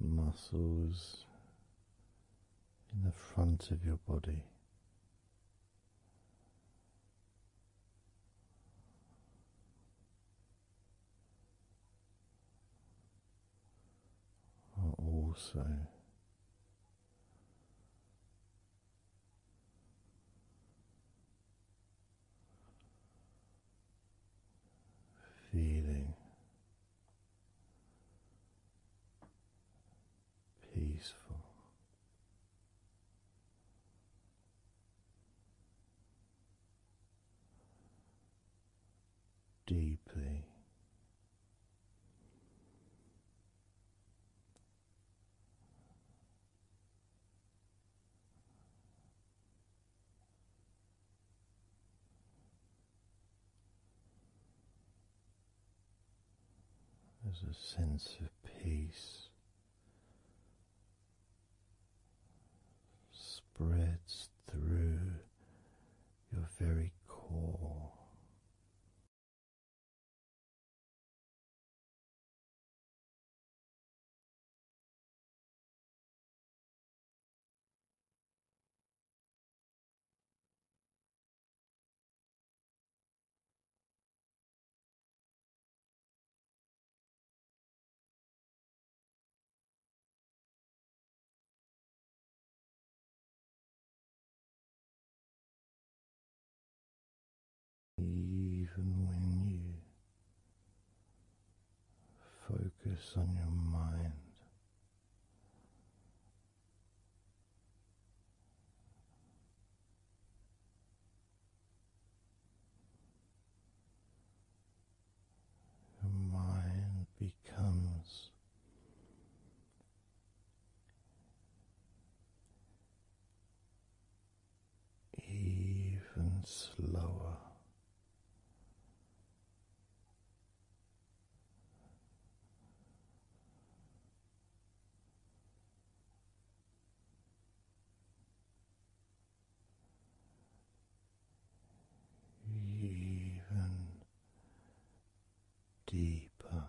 muscles in the front of your body. Are also feeling peaceful. Deeply there's a sense of peace spreads through your very core. Even when you Focus on your mind. Your mind becomes even slower. Even deeper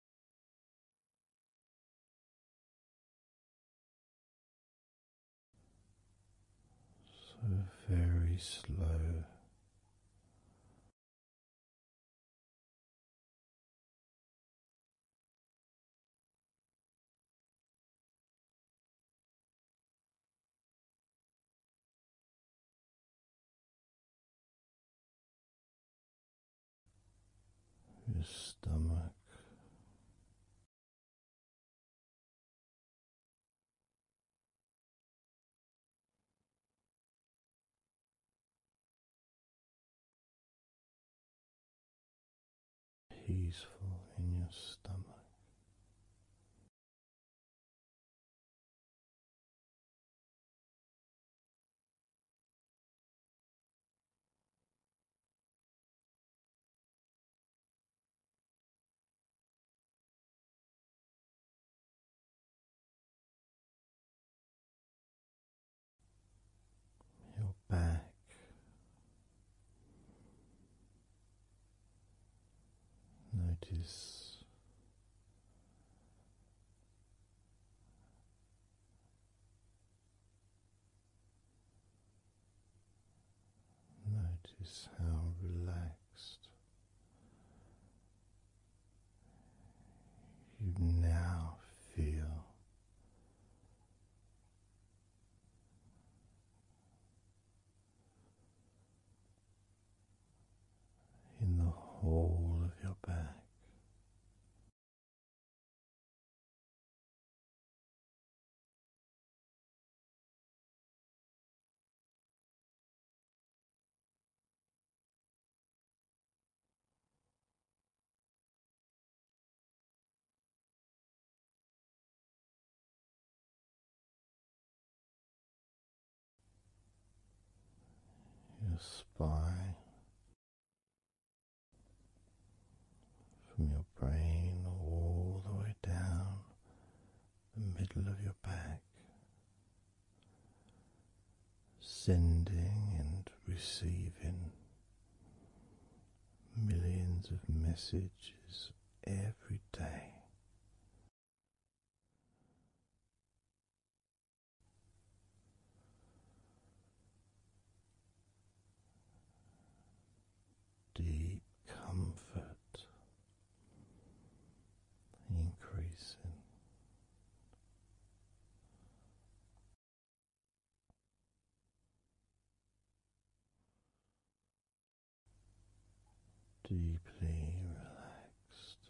So very slow your stomach. Peaceful in your stomach, your back. Notice Notice how relaxed you now feel. In the whole of your back, your spy from your brain all the way down the middle of your back, sending and receiving millions of messages every day deep comfort increasing. Deeply relaxed,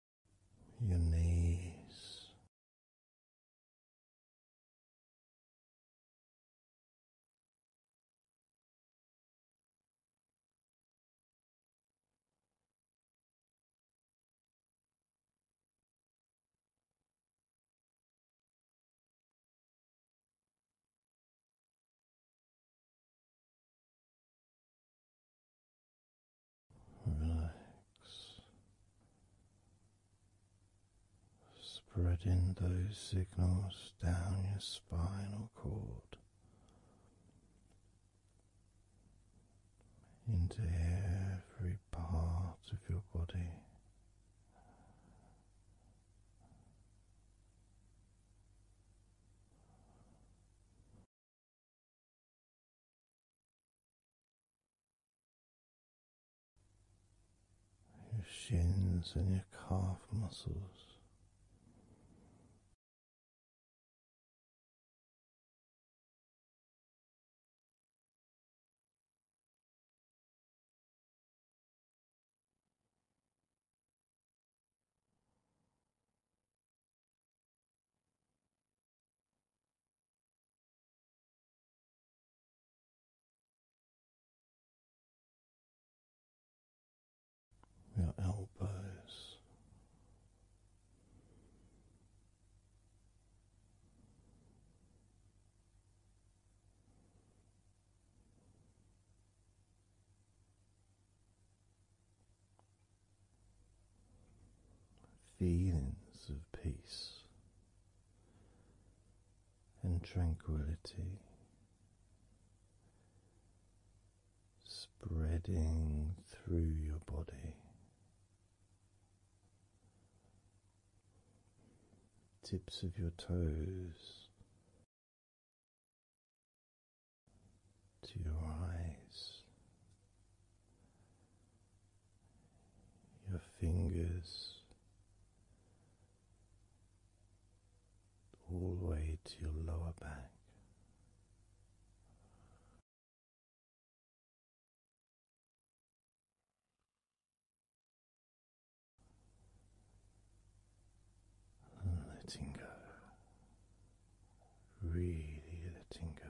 your knees spread in those signals down your spinal cord into every part of your body your shins and your calf muscles your elbows. Feelings of peace and tranquility spreading through your body. Tips of your toes to your eyes your fingers all the way to your lower back. letting go, really letting go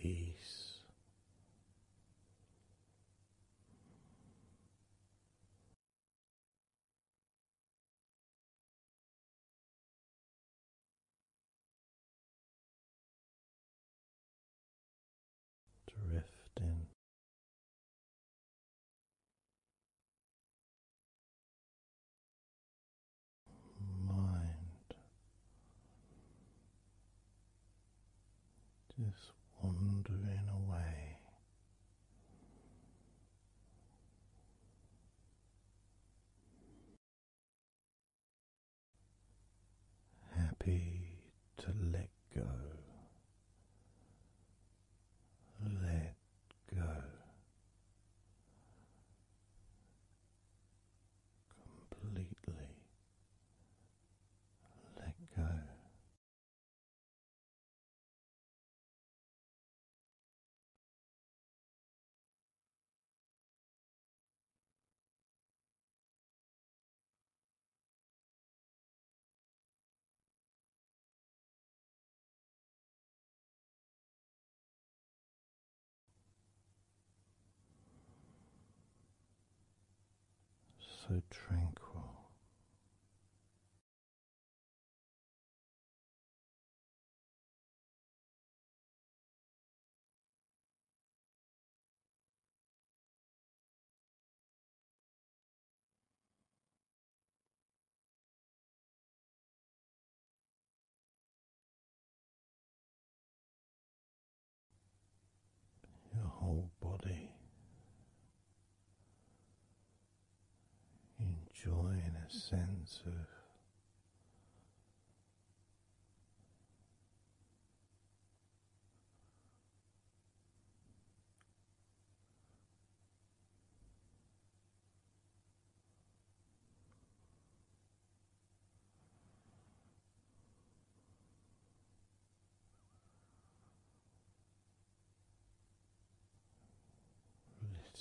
peace. Drifting mind just wandering away. Happy to let go, let go completely let go so tranquil your whole body, enjoying a sense of.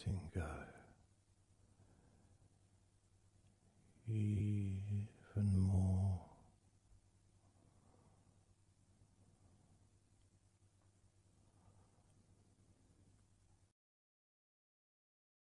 Letting go even more.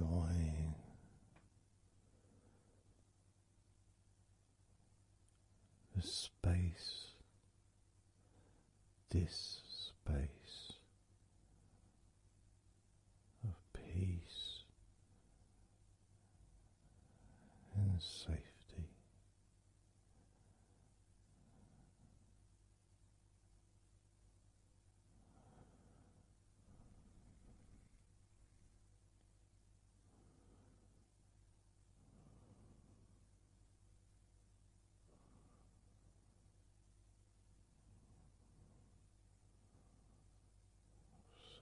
Enjoying the space, this space of peace and safety.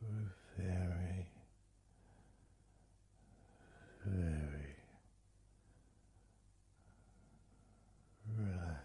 So very, very relaxed.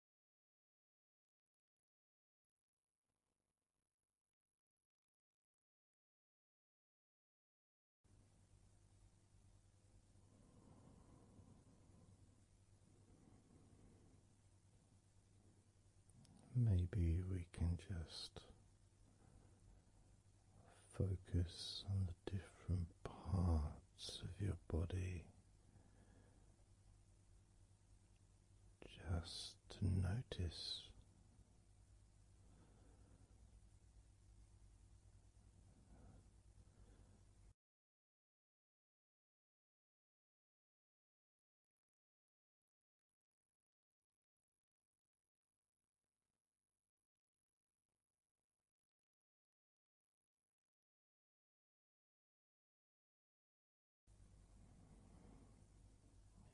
Maybe we can just focus on the different parts of your body just to notice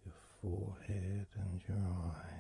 your forehead and your eyes.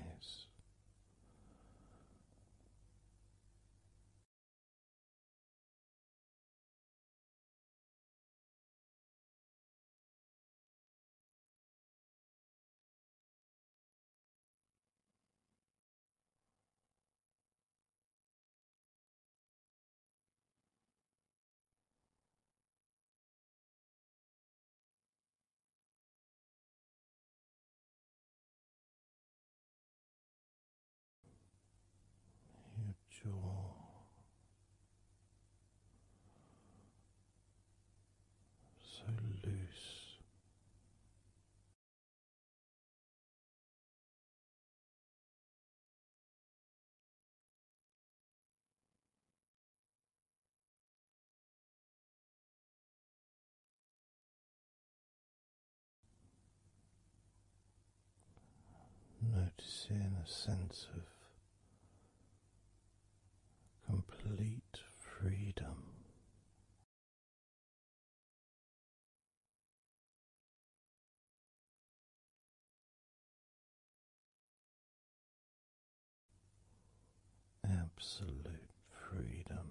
Your jaw. So loose, Noticing a sense of complete freedom Absolute freedom.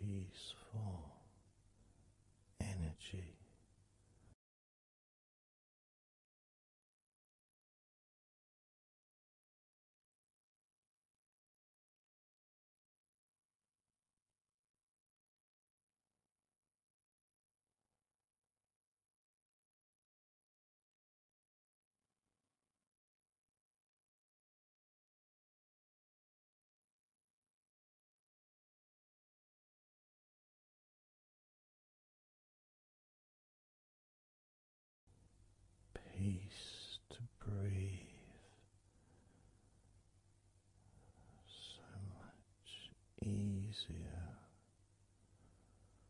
peaceful energy. Peace to breathe. So much easier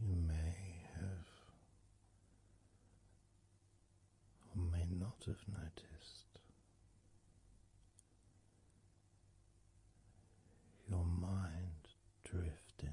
You may have or may not have noticed your mind drifting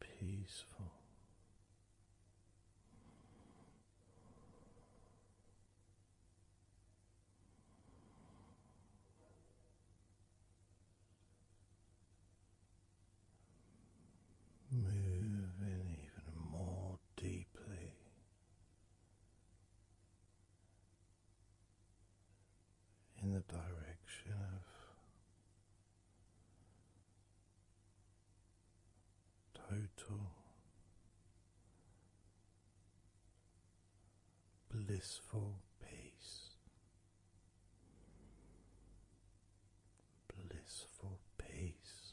peaceful. Moving even more deeply in the direction of total blissful peace, blissful peace.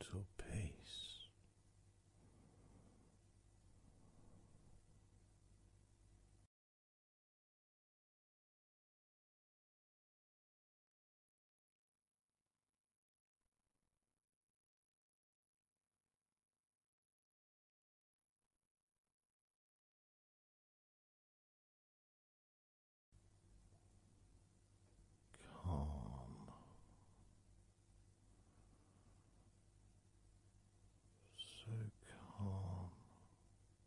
Total peace. Calm, so calm.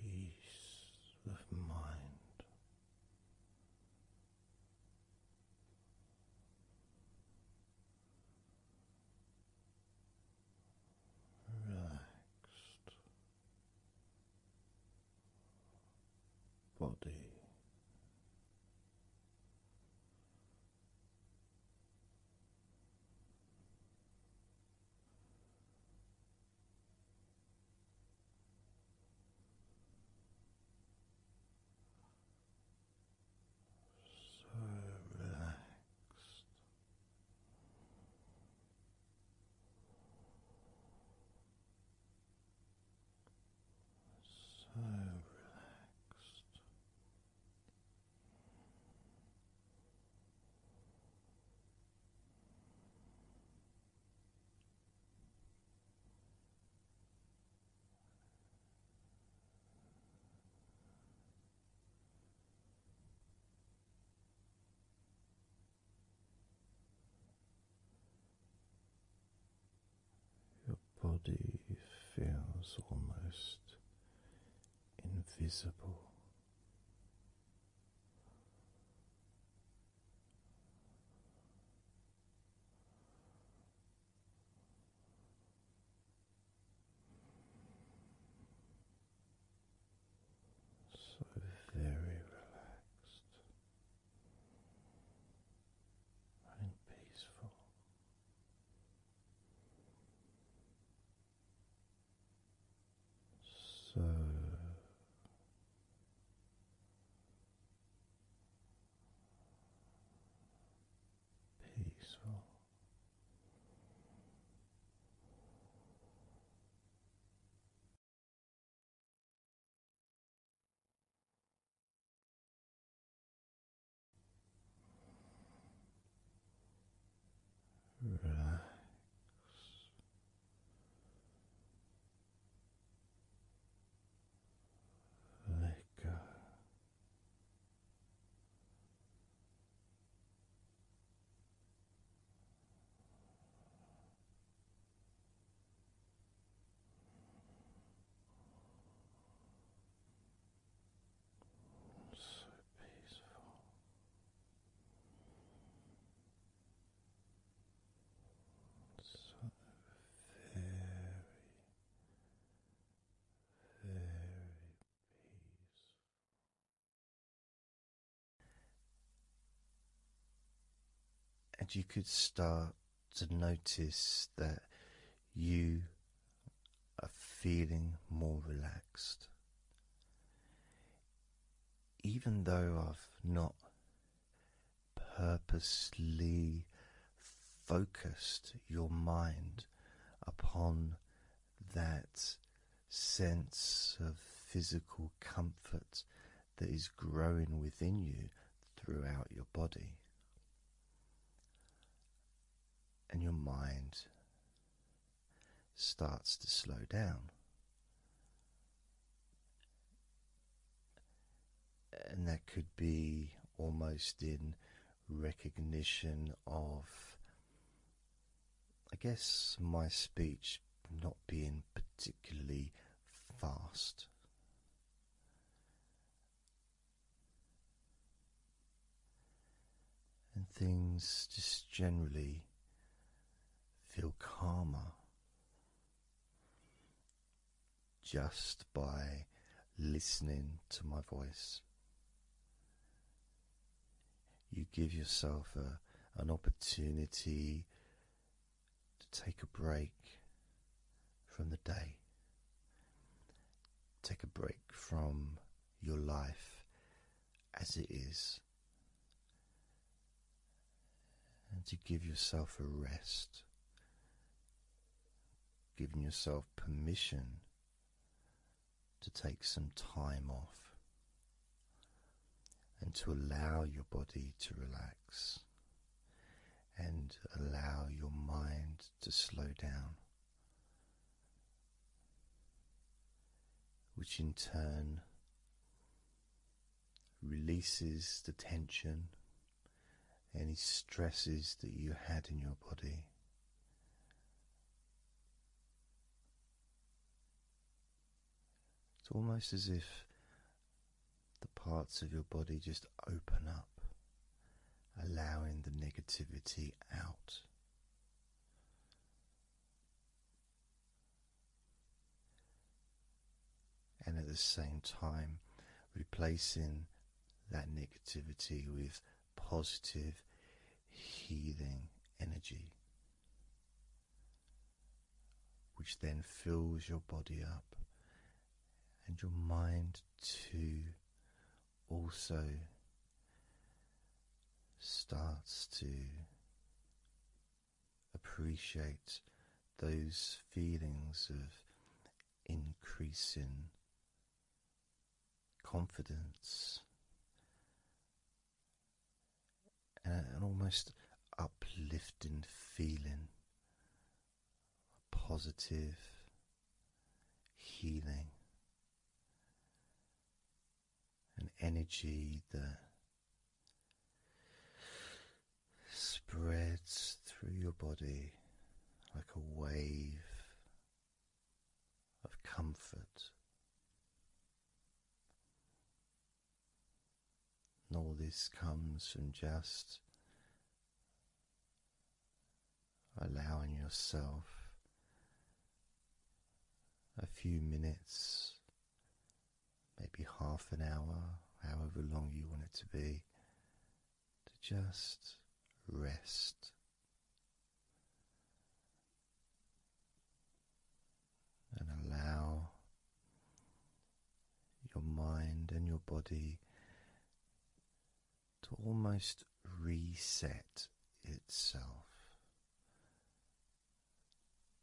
Peace of mind, relaxed body. So relaxed so relaxed. Your body feels almost invisible. So very relaxed and peaceful. So peaceful. Relax. Let go. So peaceful. So very, very peaceful and you could start to notice that you are feeling more relaxed. Even though I've not purposely focused your mind upon that sense of physical comfort that is growing within you throughout your body and your mind starts to slow down. And that could be almost in recognition of, I guess, my speech not being particularly fast. And things just generally feel calmer just by listening to my voice. You give yourself a, an opportunity to take a break from the day. Take a break from your life as it is. And to give yourself a rest, giving yourself permission to take some time off and to allow your body to relax and allow your mind to slow down, which in turn releases the tension, any stresses that you had in your body. It's almost as if the parts of your body just open up, allowing the negativity out. And at the same time, replacing that negativity with positive, healing energy which then fills your body up and your mind too also starts to appreciate those feelings of increasing confidence and an almost uplifting feeling positive healing, an energy that spreads through your body like a wave of comfort and all this comes from just allowing yourself a few minutes, maybe half an hour, however long you want it to be, to just rest. And allow your mind and your body to almost reset itself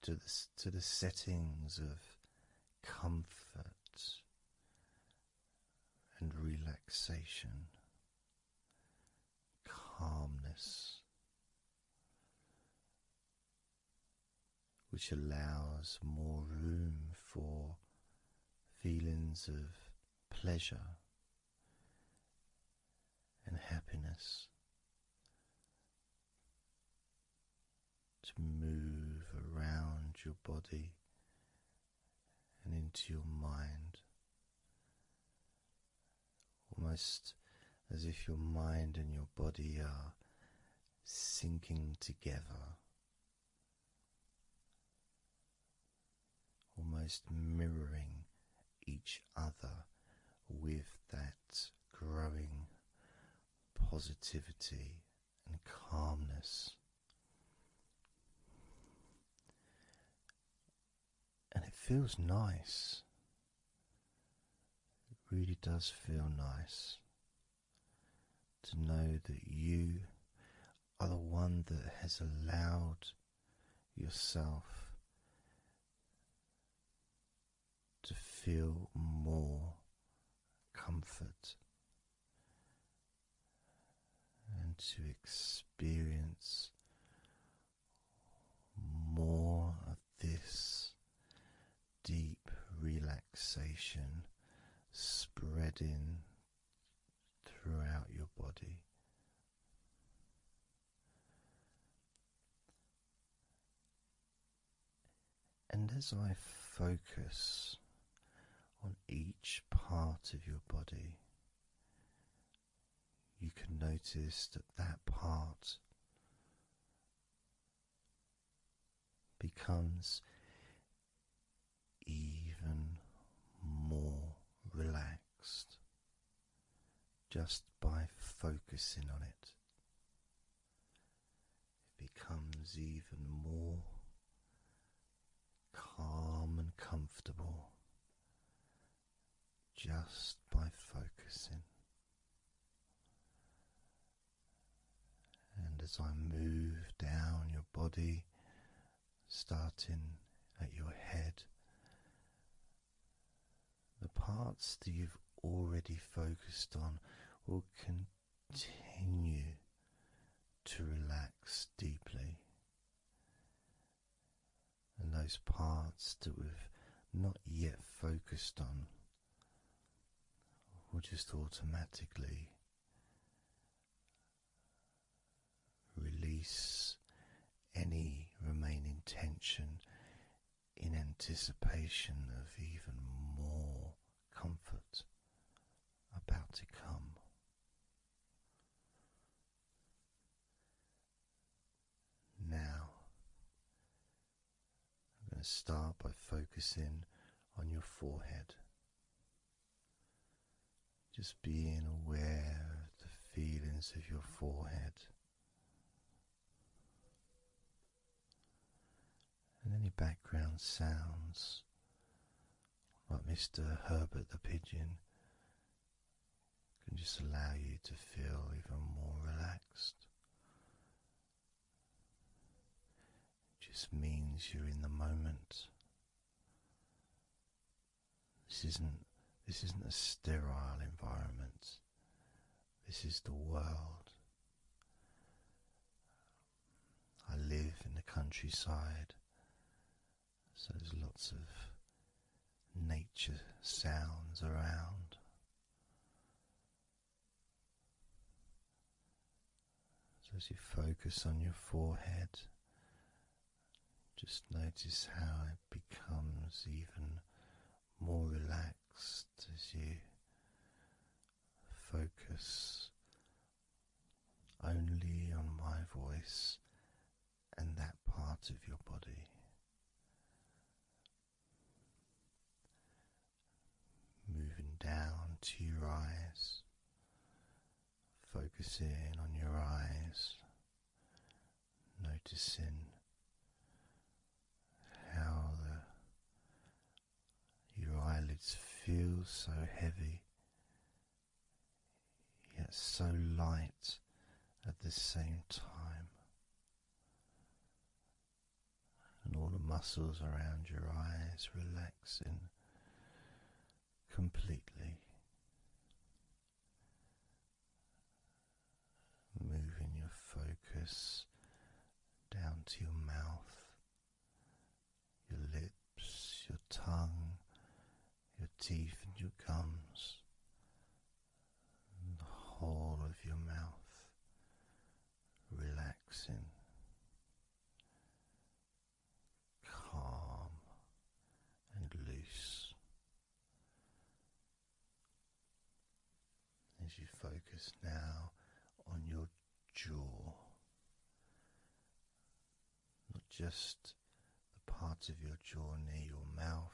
to the, to the settings of comfort and relaxation, calmness which allows more room for feelings of pleasure and happiness to move around your body and into your mind. Almost as if your mind and your body are sinking together almost mirroring each other with that growing positivity and calmness. And it feels nice. It really does feel nice to know that you are the one that has allowed yourself to feel more comfort and to experience more of this deep relaxation spreading throughout your body. And as I focus on each part of your body, you can notice that that part becomes even more relaxed just by focusing on it. It becomes even more calm and comfortable just by focusing. And as I move down your body, starting at your head, the parts that you've already focused on will continue to relax deeply. And those parts that we've not yet focused on will just automatically Release any remaining tension in anticipation of even more comfort about to come. Now, I'm going to start by focusing on your forehead. Just being aware of the feelings of your forehead and any background sounds like Mr. Herbert the Pigeon can just allow you to feel even more relaxed it just means you're in the moment. This isn't this isn't a sterile environment. This is the world. I live in the countryside, so there's lots of nature sounds around. So as you focus on your forehead, just notice how it becomes even more relaxed as you focus only on my voice and that part of your body moving down to your eyes, focusing on your eyes, noticing how your eyelids feel so heavy yet so light at the same time. And all the muscles around your eyes relaxing completely. Moving your focus down to your mouth, your lips, your tongue, your teeth, and your gums, the whole of your mouth relaxing calm and loose as you focus now on your jaw, not just the parts of your jaw near your mouth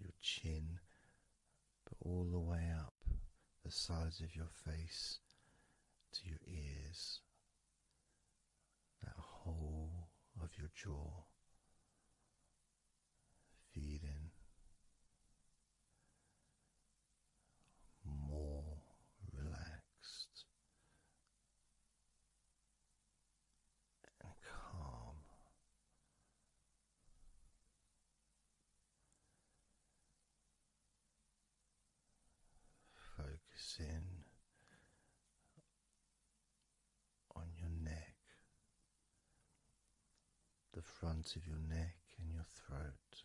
your chin, but all the way up the sides of your face to your ears that whole of your jaw, feeling more relaxed and calm. Focusing on your neck, the front of your neck and your throat,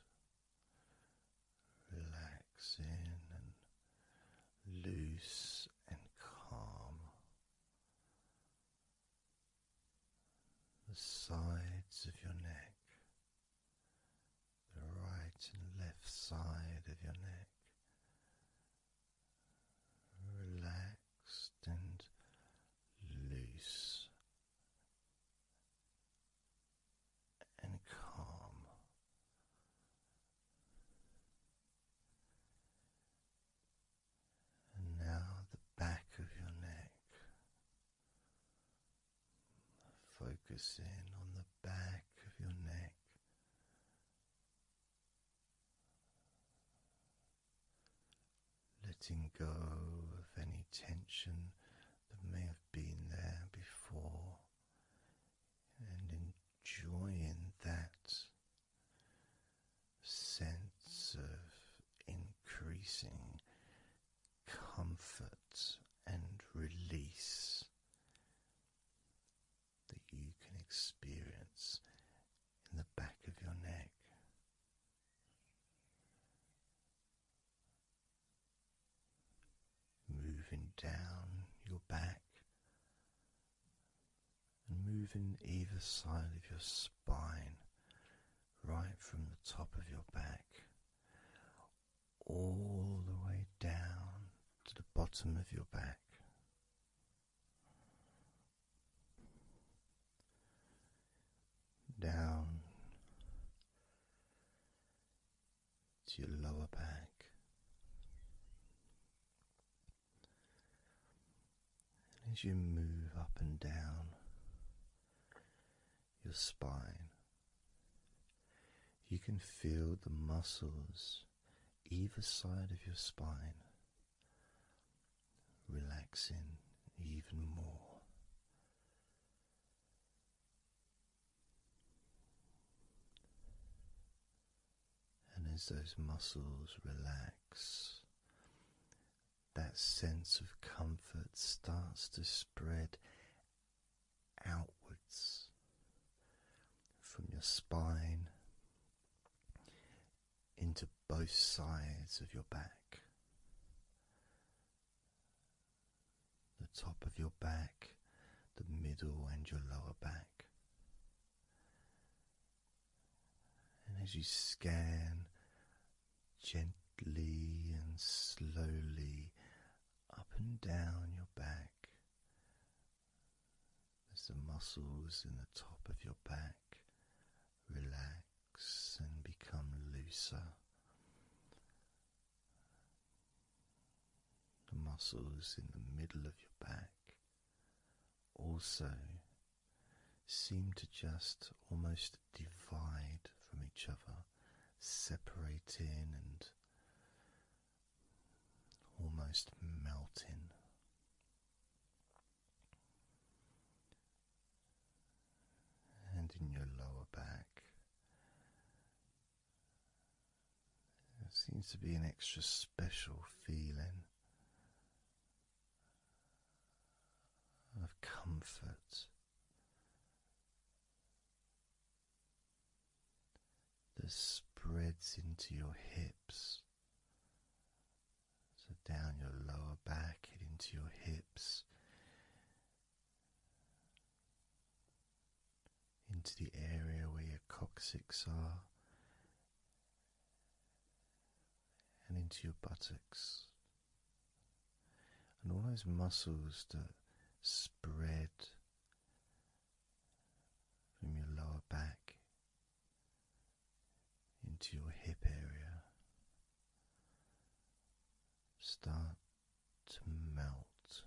relaxing and loose and calm. The sides of your neck, the right and left side of your neck relaxed and loose and calm. And now the back of your neck, Focusing on the back of your neck, letting go of any tension that may have been there before, and enjoying that sense of increasing comfort and release that you can experience in the back of your neck. Moving down your back and moving either side of your spine, right from the top of your back all the way down to the bottom of your back. Down to your lower back, and as you move up and down your spine, you can feel the muscles either side of your spine relaxing even more. And as those muscles relax, that sense of comfort starts to spread outwards from your spine into both sides of your back, the top of your back, the middle, and your lower back. And as you scan gently and slowly up and down your back back. As the muscles in the top of your back relax and become looser, the muscles in the middle of your back also seem to just almost divide from each other, separating and almost melting. And in your lower back, there seems to be an extra special feeling of comfort that spreads into your hips, so down your lower back into your hips, into the area where your coccyx are, and into your buttocks. And all those muscles that spread from your lower back into your hip area. Start to melt,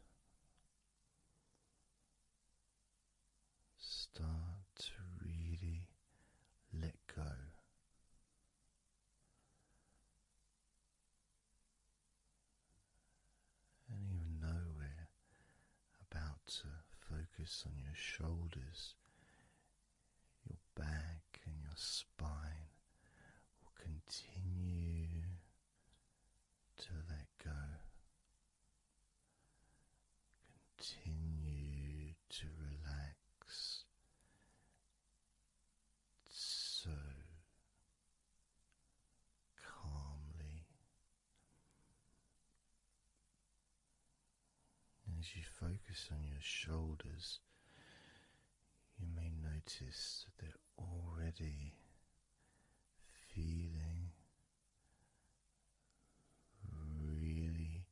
start to really let go. I even know we're about to focus on your shoulders, your back, and your spine. will continue to let go. Continue to relax so calmly as you focus on your shoulders, you may notice that they're already feeling really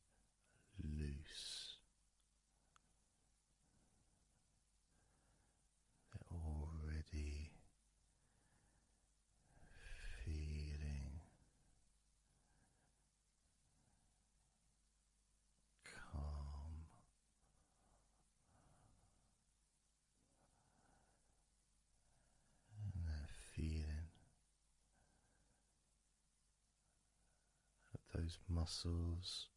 loose. They're already feeling calm. And that feeling of those muscles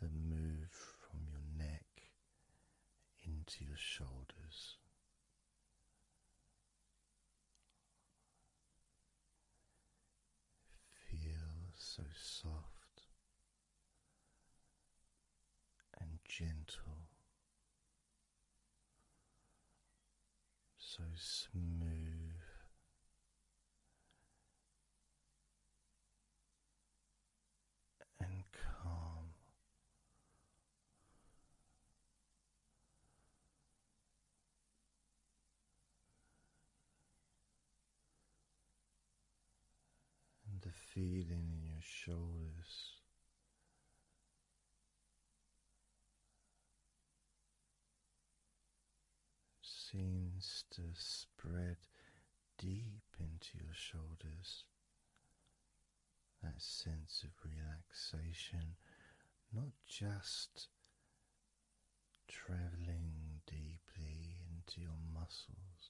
that move from your neck into your shoulders. Feel so soft and gentle, so smooth and calm. And the feeling in your shoulders. Seems to spread deep into your shoulders. That sense of relaxation, not just traveling deeply into your muscles,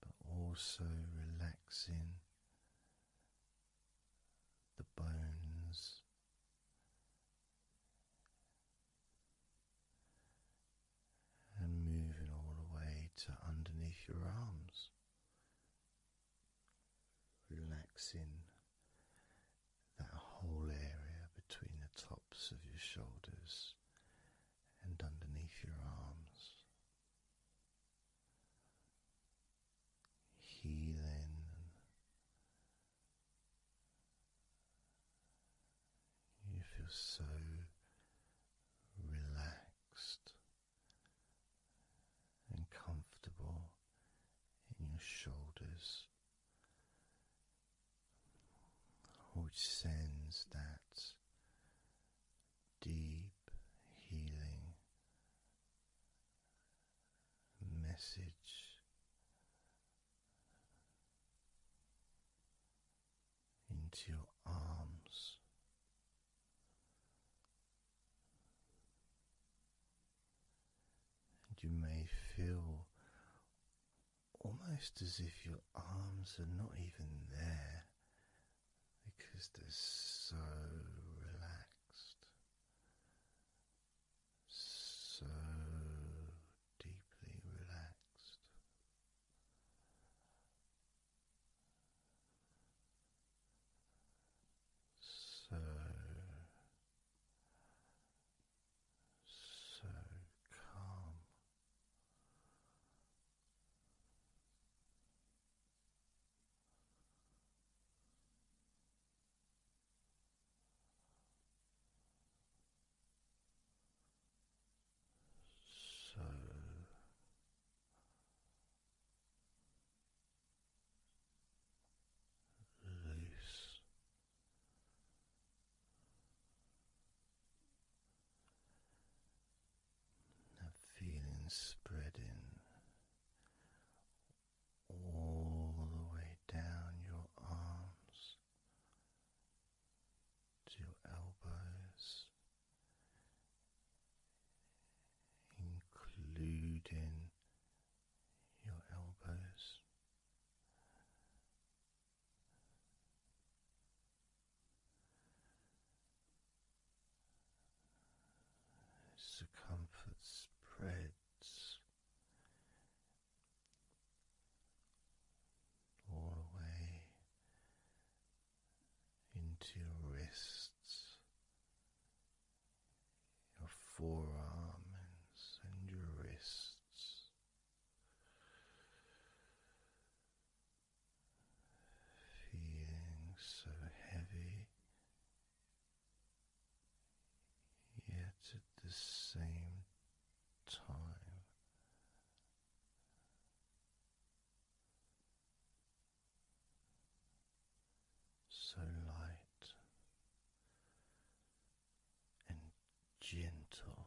but also relaxing the bones and moving all the way to underneath your arms, relaxing that whole area between the tops of your shoulders and underneath your arms. Healing you feel so relaxed and comfortable in your shoulders, which sends that deep healing message into your arms. And you may feel almost as if your arms are not even there because they're so relaxed, so deeply relaxed. So, so calm. So loose. That feeling spreading all the way down your arms to your elbows, including your elbows. Circumference spreads all the into your wrists, your forearms, and your wrists. Feeling so heavy, yet at the same time so light and gentle.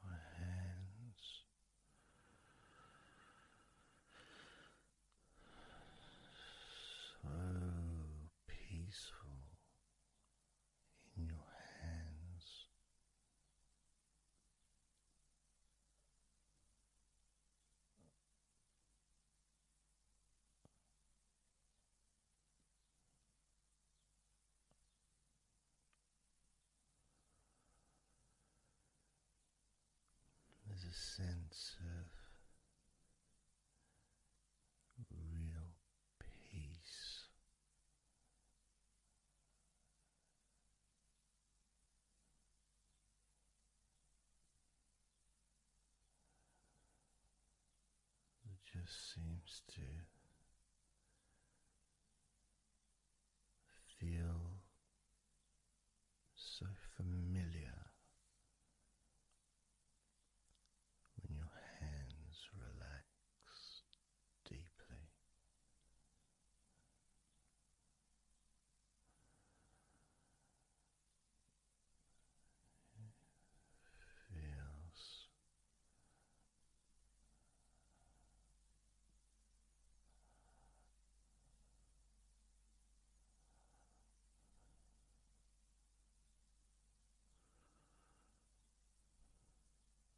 Your hands so peaceful in your hands. There's a sense of real peace it just seems to feel so familiar when your hands relax deeply. feels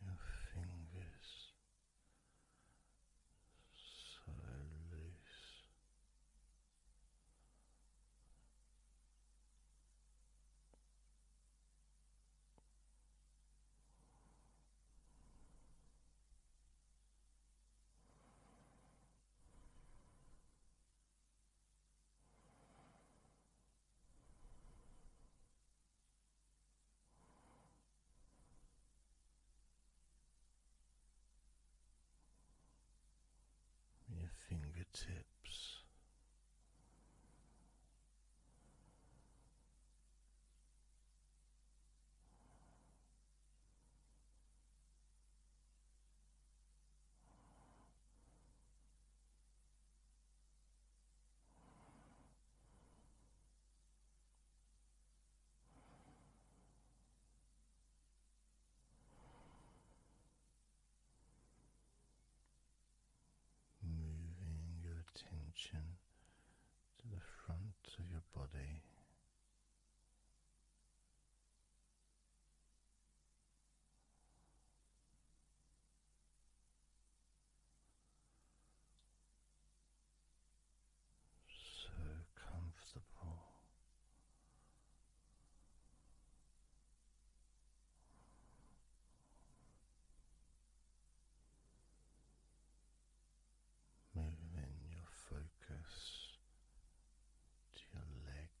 Your fingers so loose your fingertips. Moving your attention to the front of your body, so comfortable moving your focus to your legs.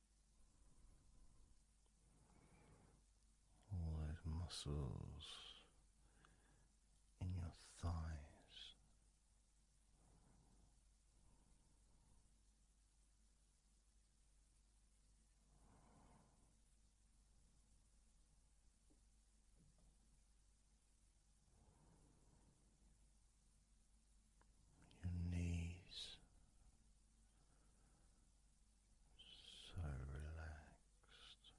all those muscles in your thighs your knees so relaxed. Your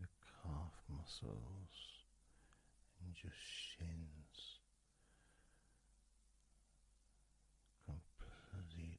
your calf muscles and your shins completely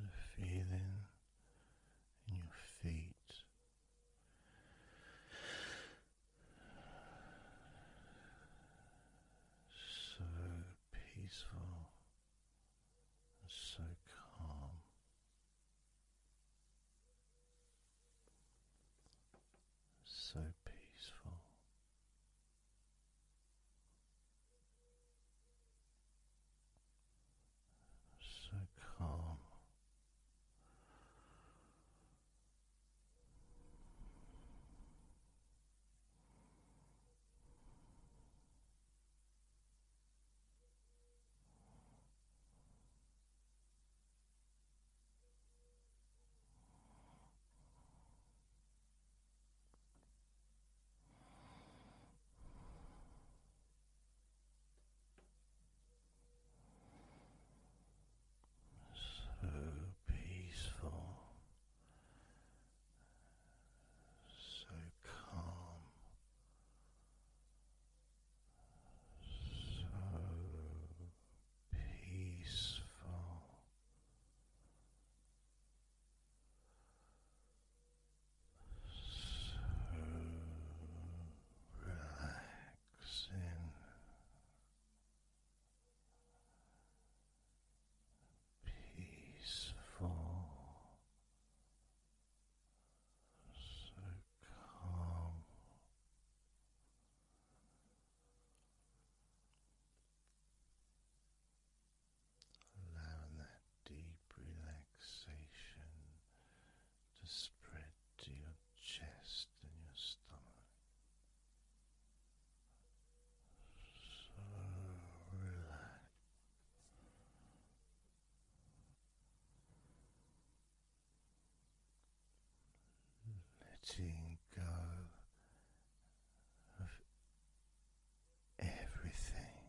the feeling in your feet. So peaceful so calm. So peaceful so calm. So peaceful, so calm, so peaceful. So relaxing, peaceful, so calm. Allowing that deep relaxation to spread to your chest and your stomach. So relaxed. Letting go of everything.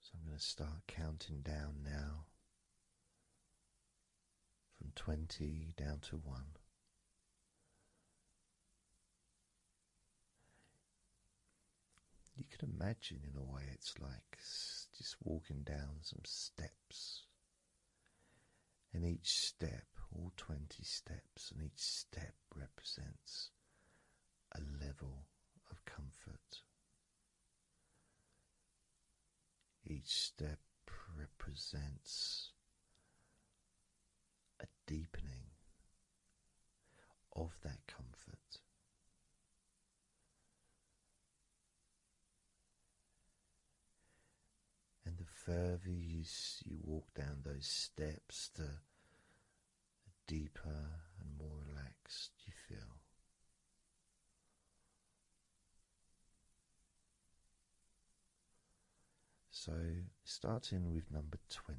So I'm going to start counting down now from 20 down to 1. You can imagine, in a way, it's like just walking down some steps. And each step, all 20 steps, and each step represents a level of comfort. Each step represents a deepening of that comfort. And the further you, you walk down those steps, the, the deeper and more relaxed you feel. So, starting with number 20,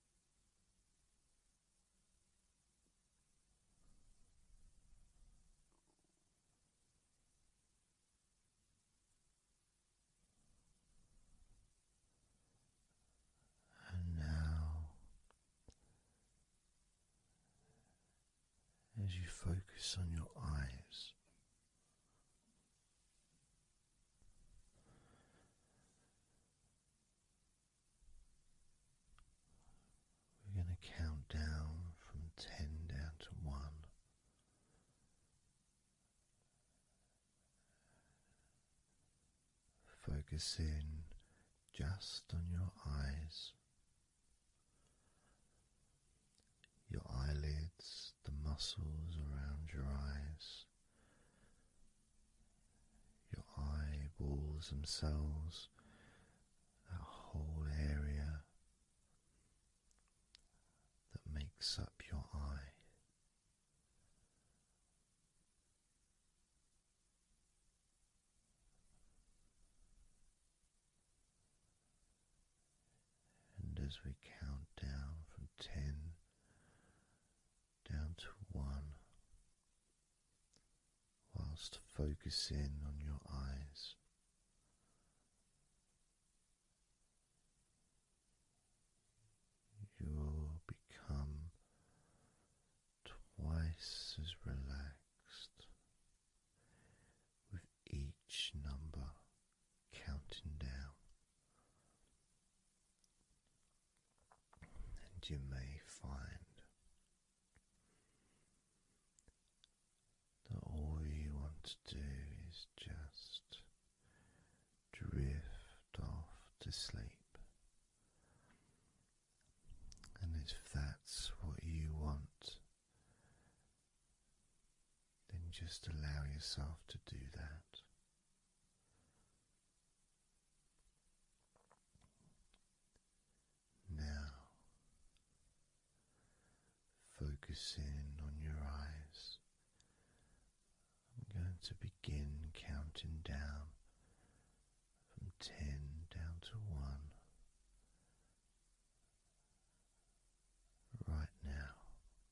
And now, as you focus on your eyes, we're going to count down from ten down to one. Focus in just on your eyes, your eyelids, the muscles around your eyes, your eyeballs themselves, that whole area that makes up your eye. And as we count down from ten down to one, whilst focusing on your eyes. You'll become twice as relaxed with each number counting down and you may find that all you want to do is just drift off to sleep. And if that's what you want, then just allow yourself to do that. Now, focusing on your eyes, I'm going to begin counting down from ten down to one. Right now,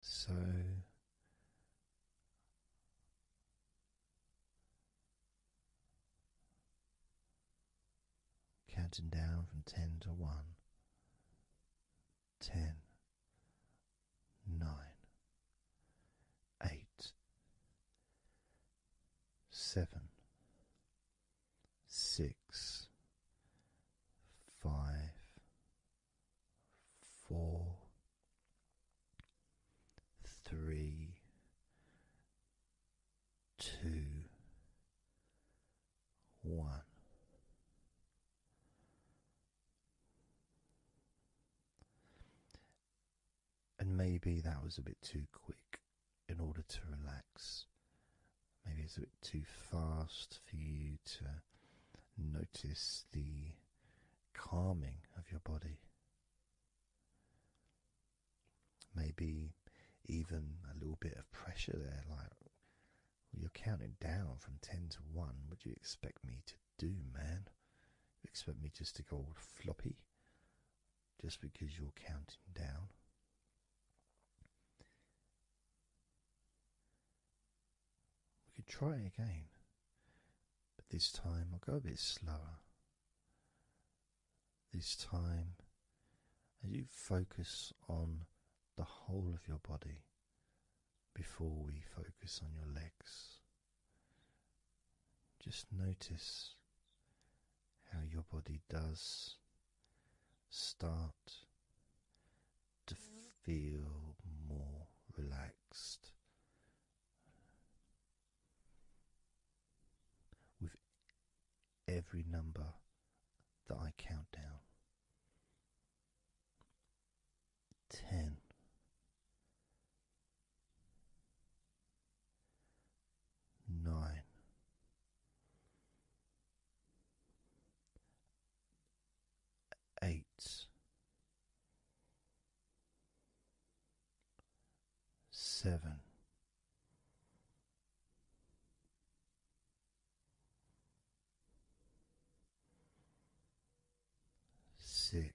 so counting down from ten to one, ten, nine, eight, seven, six, five, four, three, two, one. And maybe that was a bit too quick in order to relax. Maybe it's a bit too fast for you to notice the calming of your body. Maybe even a little bit of pressure there, like you're counting down from 10 to 1. What do you expect me to do, man? expect me just to go all floppy just because you're counting down? We could try it again, but this time I'll go a bit slower. This time, as you focus on the whole of your body before we focus on your legs, just notice how your body does start to feel more relaxed with every number that I count down. Ten eight, seven, six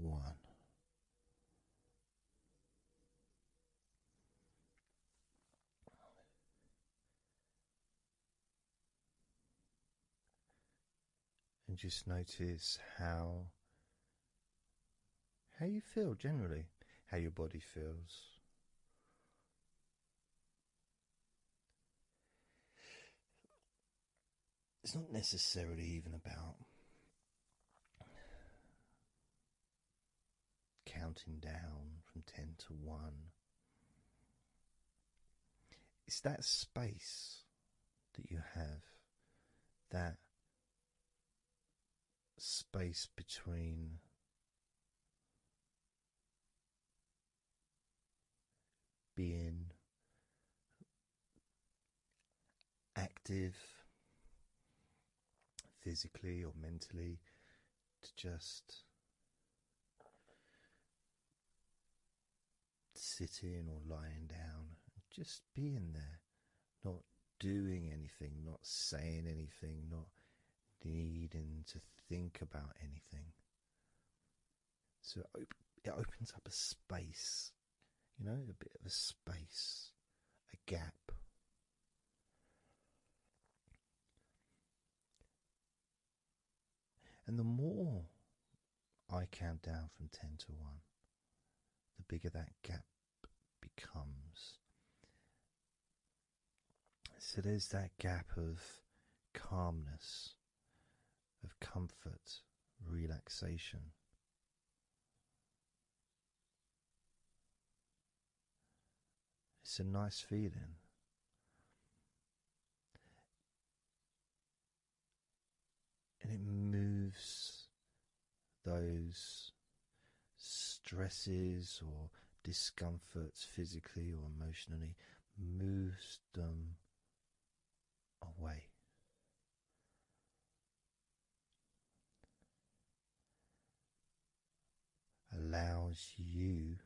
one. And just notice how how you feel generally, how your body feels it's not necessarily even about counting down from 10 to 1. It's that space that you have, that space between being active physically or mentally to just sitting or lying down just being there, not doing anything, not saying anything, not needing to think about anything. So it, opens up a space, you know, a bit of a space, a gap. And the more I count down from 10 to 1, the bigger that gap becomes. So there's that gap of calmness of comfort, relaxation. It's a nice feeling. And it moves those stresses or discomforts physically or emotionally, moves pushed them um, away. Allows you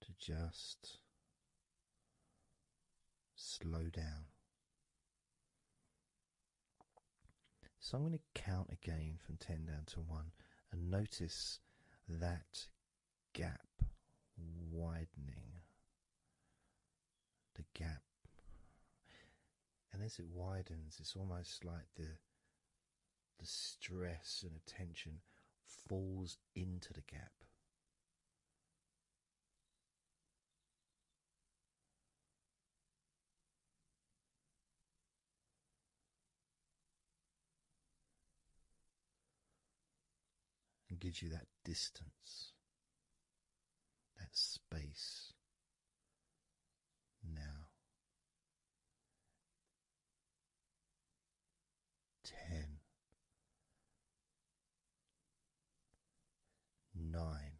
to just slow down. So I'm going to count again from 10 down to 1 and notice that gap widening. The gap. And as it widens, it's almost like the the stress and attention falls into the gap and gives you that distance, that space now. Ten, nine,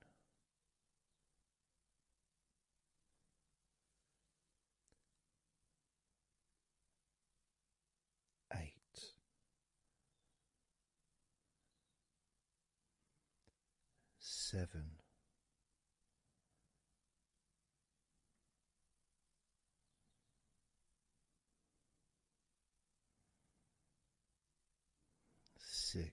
Eight, seven, six.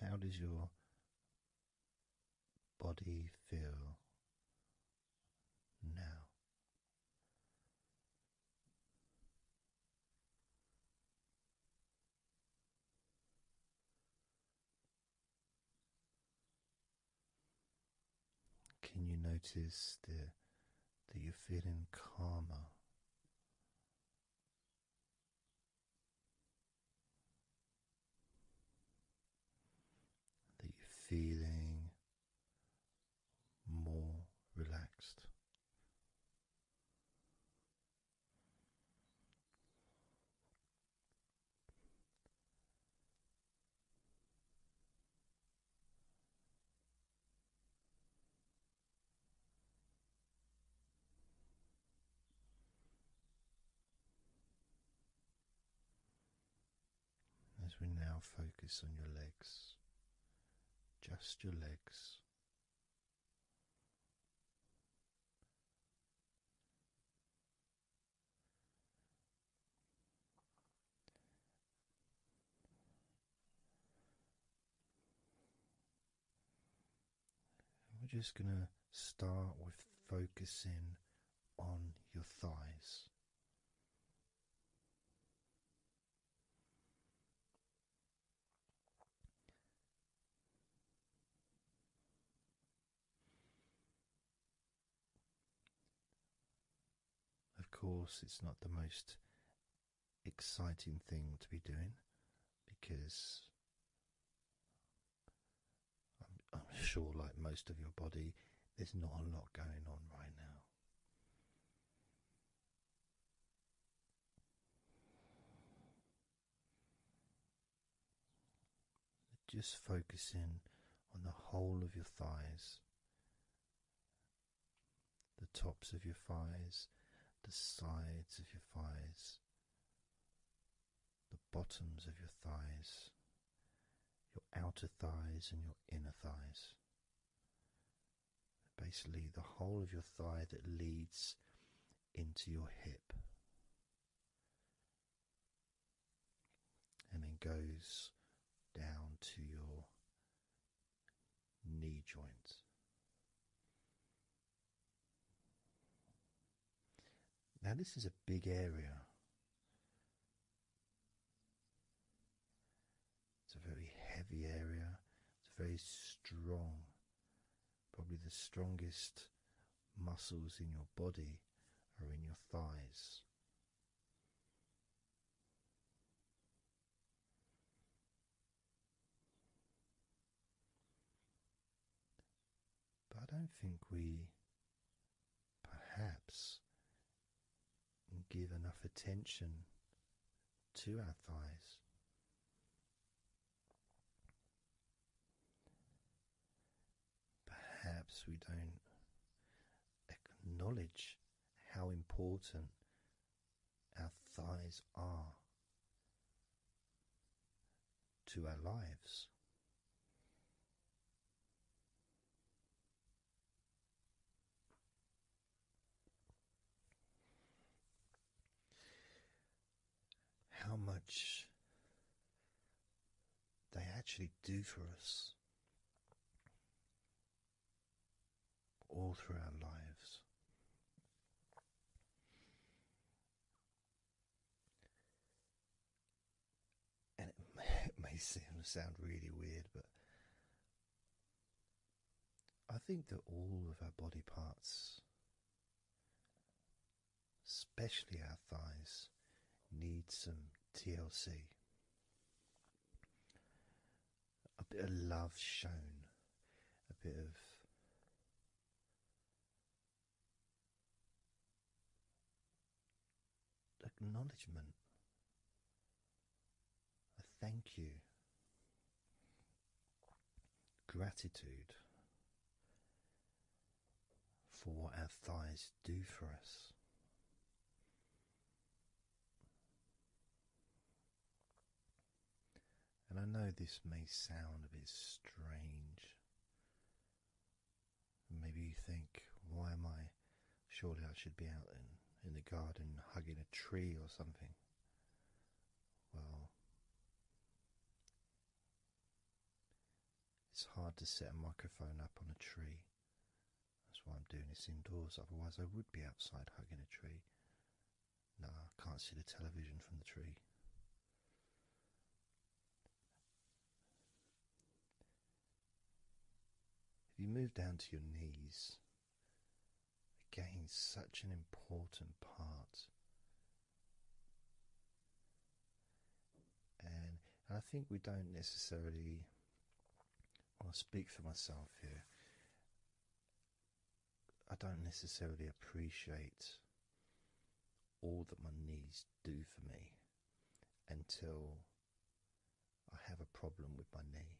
how does your body feel now? Can you notice the that you're feeling calmer. That you're feeling more relaxed. As we now focus on your legs, just your legs we're just going to start with focusing on your thighs. Of course, it's not the most exciting thing to be doing because I'm, sure, like most of your body, there's not a lot going on right now. Just focus in on the whole of your thighs the tops of your thighs, the sides of your thighs, the bottoms of your thighs, your outer thighs, and your inner thighs. Basically, the whole of your thigh that leads into your hip and then goes down to your knee joints. Now, this is a big area. It's a very heavy area. It's a very strong. Probably the strongest muscles in your body are in your thighs. But I don't think we perhaps give enough attention to our thighs. Perhaps we don't acknowledge how important our thighs are to our lives. How much they actually do for us all through our lives. And it may, it may sound really weird, but I think that all of our body parts, especially our thighs, need some TLC a bit of love shown, a bit of acknowledgement, a thank you, gratitude for what our thighs do for us. And I know this may sound a bit strange. Maybe you think, why am I? Surely I should be out in, in the garden hugging a tree or something. Well, it's hard to set a microphone up on a tree. That's why I'm doing this indoors, otherwise, I would be outside hugging a tree. No, I can't see the television from the tree. If you move down to your knees, again, such an important part. And, I think we don't necessarily, well, I'll speak for myself here. I don't necessarily appreciate all that my knees do for me until I have a problem with my knee.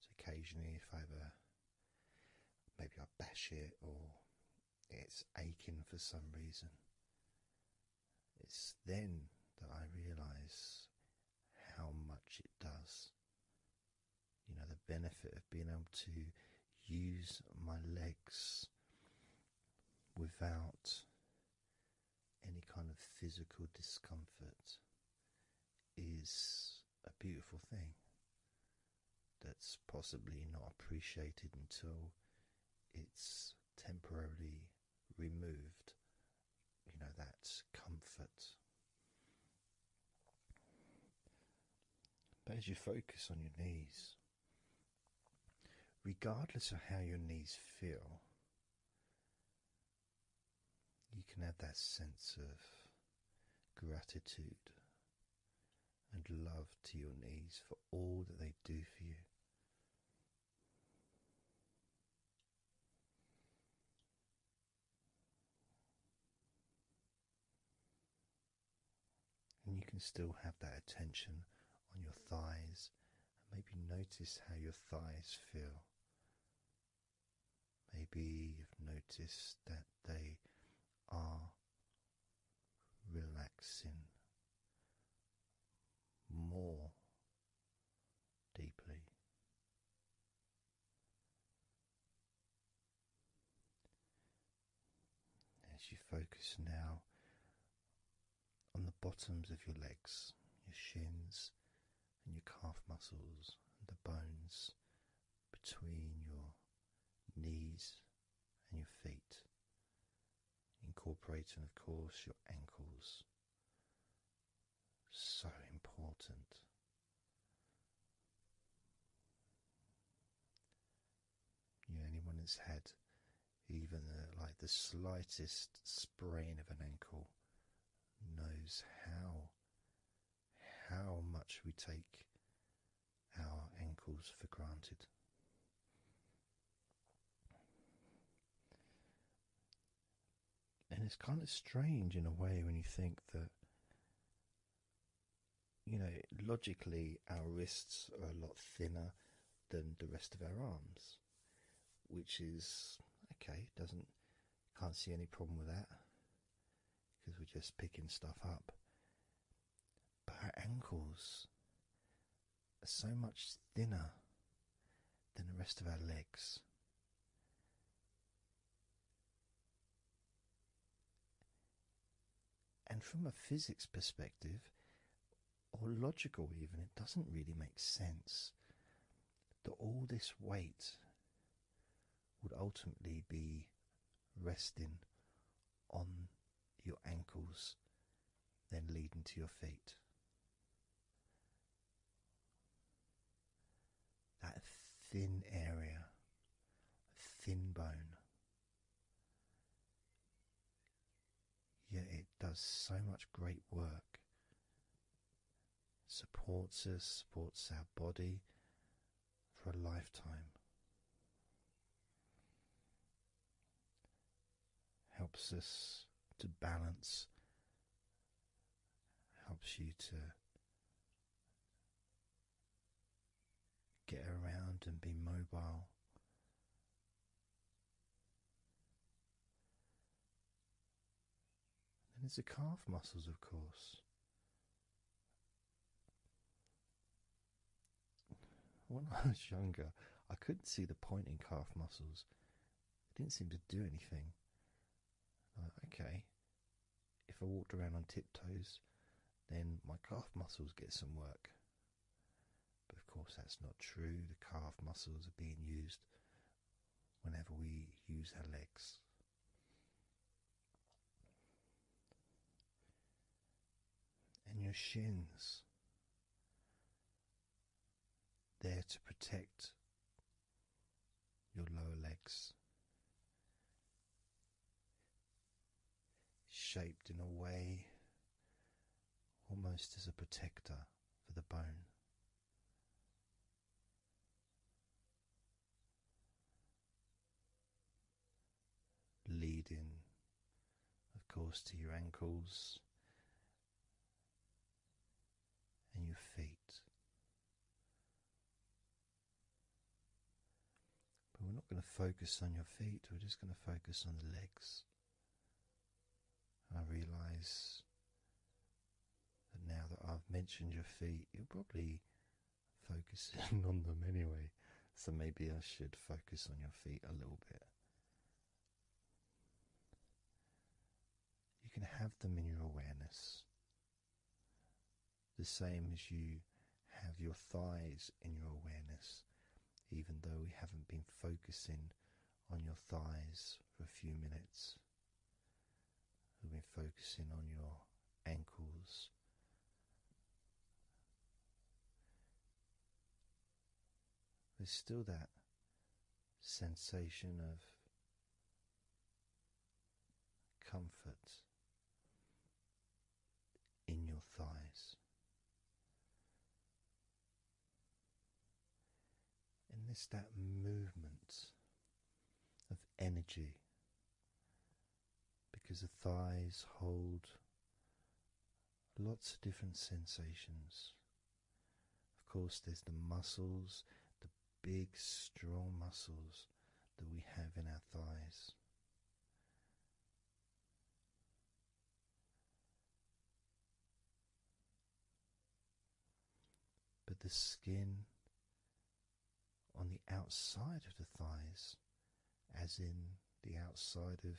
So occasionally, if I have maybe I bash it or it's aching for some reason, it's then that I realise how much it does you know, the benefit of being able to use my legs without any kind of physical discomfort is a beautiful thing that's possibly not appreciated until it's temporarily removed. You know, that comfort but as you focus on your knees, regardless of how your knees feel, you can have that sense of gratitude and love to your knees for all that they do for you. And you can still have that attention on your thighs and maybe notice how your thighs feel. Maybe you've noticed that they are relaxing more deeply. As you focus now on the bottoms of your legs, your shins, and your calf muscles, and the bones between your knees and your feet, incorporating, of course, your ankles. So important you know, anyone that's had even the, like the slightest sprain of an ankle knows how how much we take our ankles for granted. And it's kind of strange in a way when you think that you know, logically, our wrists are a lot thinner than the rest of our arms, which is okay. Doesn't can't see any problem with that because we're just picking stuff up. But our ankles are so much thinner than the rest of our legs. And from a physics perspective, or logical even, it doesn't really make sense that all this weight would ultimately be resting on your ankles, then leading to your feet that thin area, thin bone. Yet it does so much great work. Supports us, supports our body for a lifetime. Helps us to balance, helps you to get around and be mobile. And then there's the calf muscles, of course. When I was younger, I couldn't see the point in calf muscles. It didn't seem to do anything. okay, if I walked around on tiptoes, then my calf muscles get some work. But of course, that's not true. The calf muscles are being used whenever we use our legs. And your shins, there to protect your lower legs shaped in a way almost as a protector for the bone. Leading, of course, to your ankles and your feet, but we're not going to focus on your feet, we're just going to focus on the legs. I realize that now that I've mentioned your feet, you're probably focusing on them anyway, so maybe I should focus on your feet a little bit. You can have them in your awareness. The same as you have your thighs in your awareness, even though we haven't been focusing on your thighs for a few minutes. We've been focusing on your ankles. There's still that sensation of comfort in your thighs. And there's that movement of energy because the thighs hold lots of different sensations. Of course, there's the muscles, the big, strong muscles that we have in our thighs. But the skin on the outside of the thighs, as in the outside of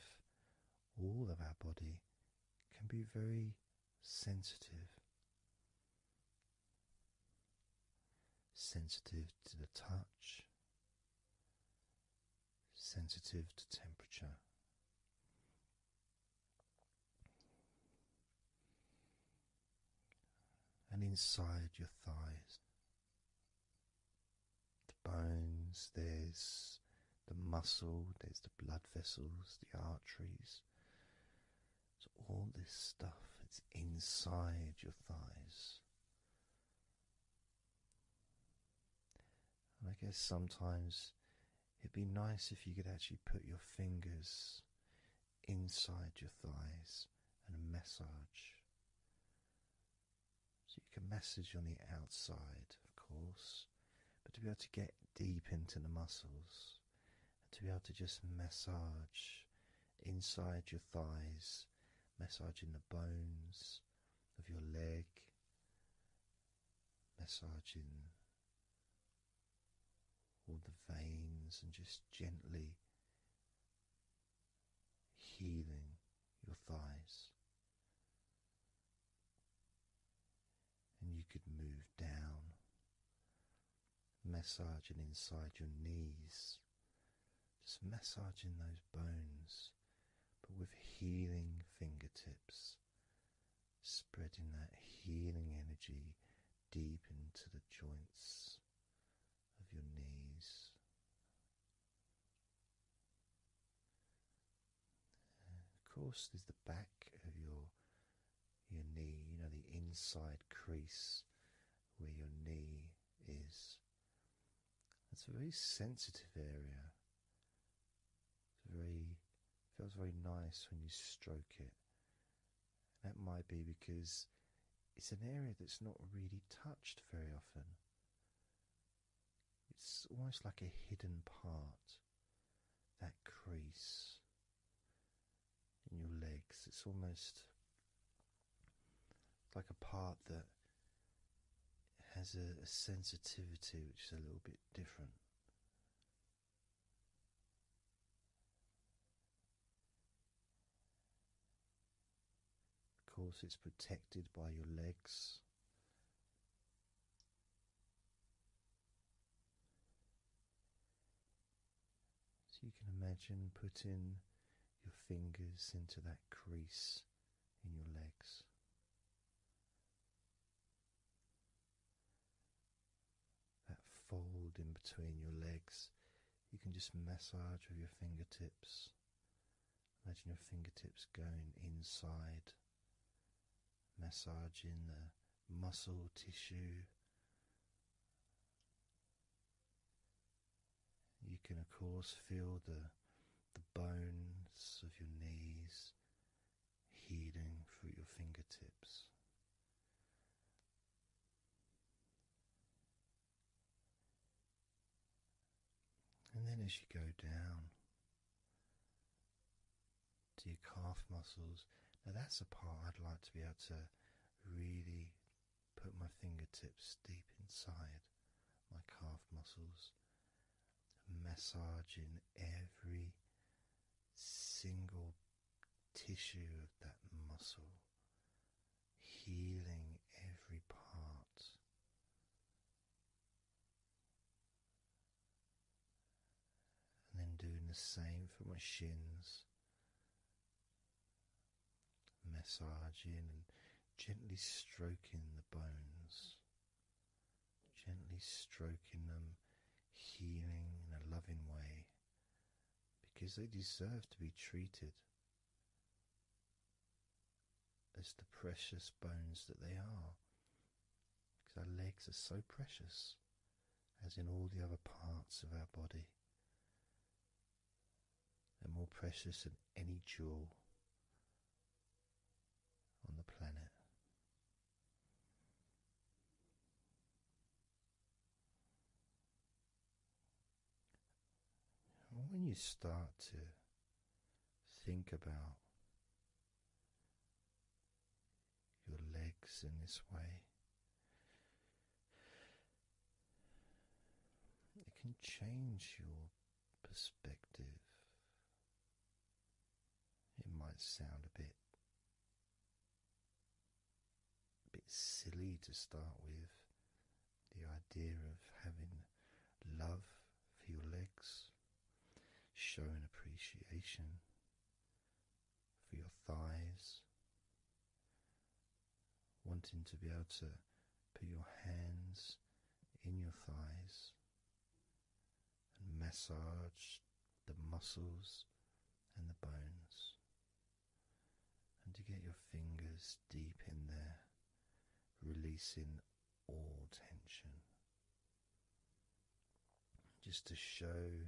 all of our body, can be very sensitive sensitive to the touch, sensitive to temperature. And inside your thighs, the bones, there's the muscle, there's the blood vessels, the arteries. So all this stuff, that's inside your thighs. And I guess sometimes it'd be nice if you could actually put your fingers inside your thighs and massage. So you can massage on the outside, of course, but to be able to get deep into the muscles and to be able to just massage inside your thighs massaging the bones of your leg, massaging all the veins, and just gently healing your thighs. And you could move down, massaging inside your knees. Just massaging those bones, but with healing fingertips, spreading that healing energy deep into the joints of your knees. Of course, there's the back of your your knee, you know, the inside crease where your knee is. It's a very sensitive area. It's very feels very nice when you stroke it. That might be because it's an area that's not really touched very often. It's almost like a hidden part. That crease in your legs. It's almost it's like a part that has a, sensitivity which is a little bit different. Of course, it's protected by your legs. So you can imagine putting your fingers into that crease in your legs. That fold in between your legs, you can just massage with your fingertips. Imagine your fingertips going inside, massaging the muscle tissue you can, of course, feel the, the bones of your knees healing through your fingertips. And then, as you go down to your calf muscles, now that's a part I'd like to be able to really Put my fingertips deep inside my calf muscles, massaging every single tissue of that muscle, healing every part. And then doing the same for my shins, massaging and gently stroking the bones, gently stroking them, healing in a loving way because they deserve to be treated as the precious bones that they are. Because our legs are so precious, as in all the other parts of our body and more precious than any jewel on the planet. When you start to think about your legs in this way, it can change your perspective. It might sound a bit a bit silly to start with the idea of having love for your legs, showing appreciation for your thighs, wanting to be able to put your hands in your thighs and massage the muscles and the bones, and to get your fingers deep in there, releasing all tension. Just to show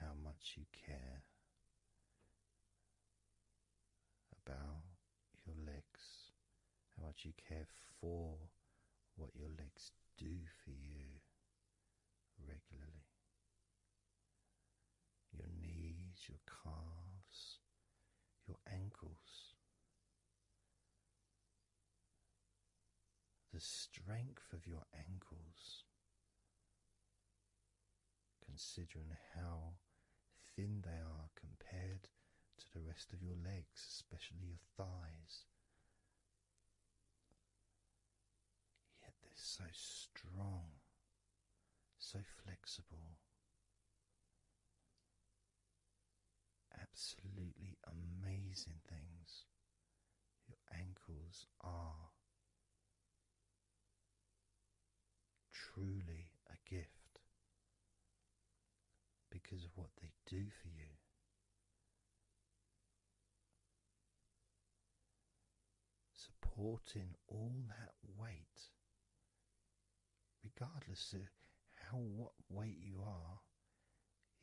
how much you care about your legs, how much you care for what your legs do for you regularly. Your knees, your calves, your ankles. The strength of your ankles, considering how thin they are compared to the rest of your legs, especially your thighs. Yet they're so strong, so flexible. Absolutely amazing things. Your ankles are truly a gift because of what they do for you. Supporting all that weight, regardless of how what weight you are,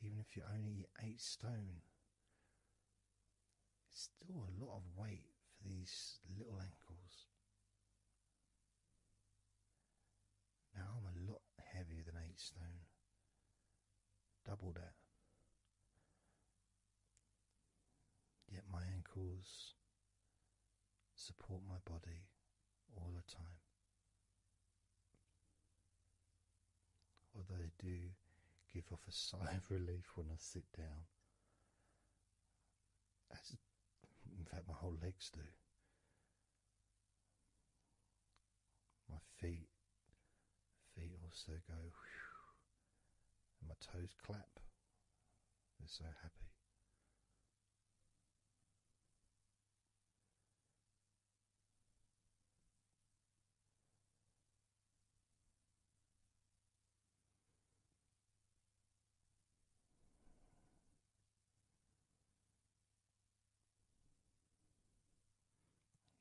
even if you're only eight stone, it's still a lot of weight for these little ankles. Now I'm a lot heavier than eight stone, double that. Yet my ankles support my body all the time. Although they do give off a sigh of relief when I sit down, as in fact, my whole legs do. My feet, feet also go, and my toes clap. They're so happy.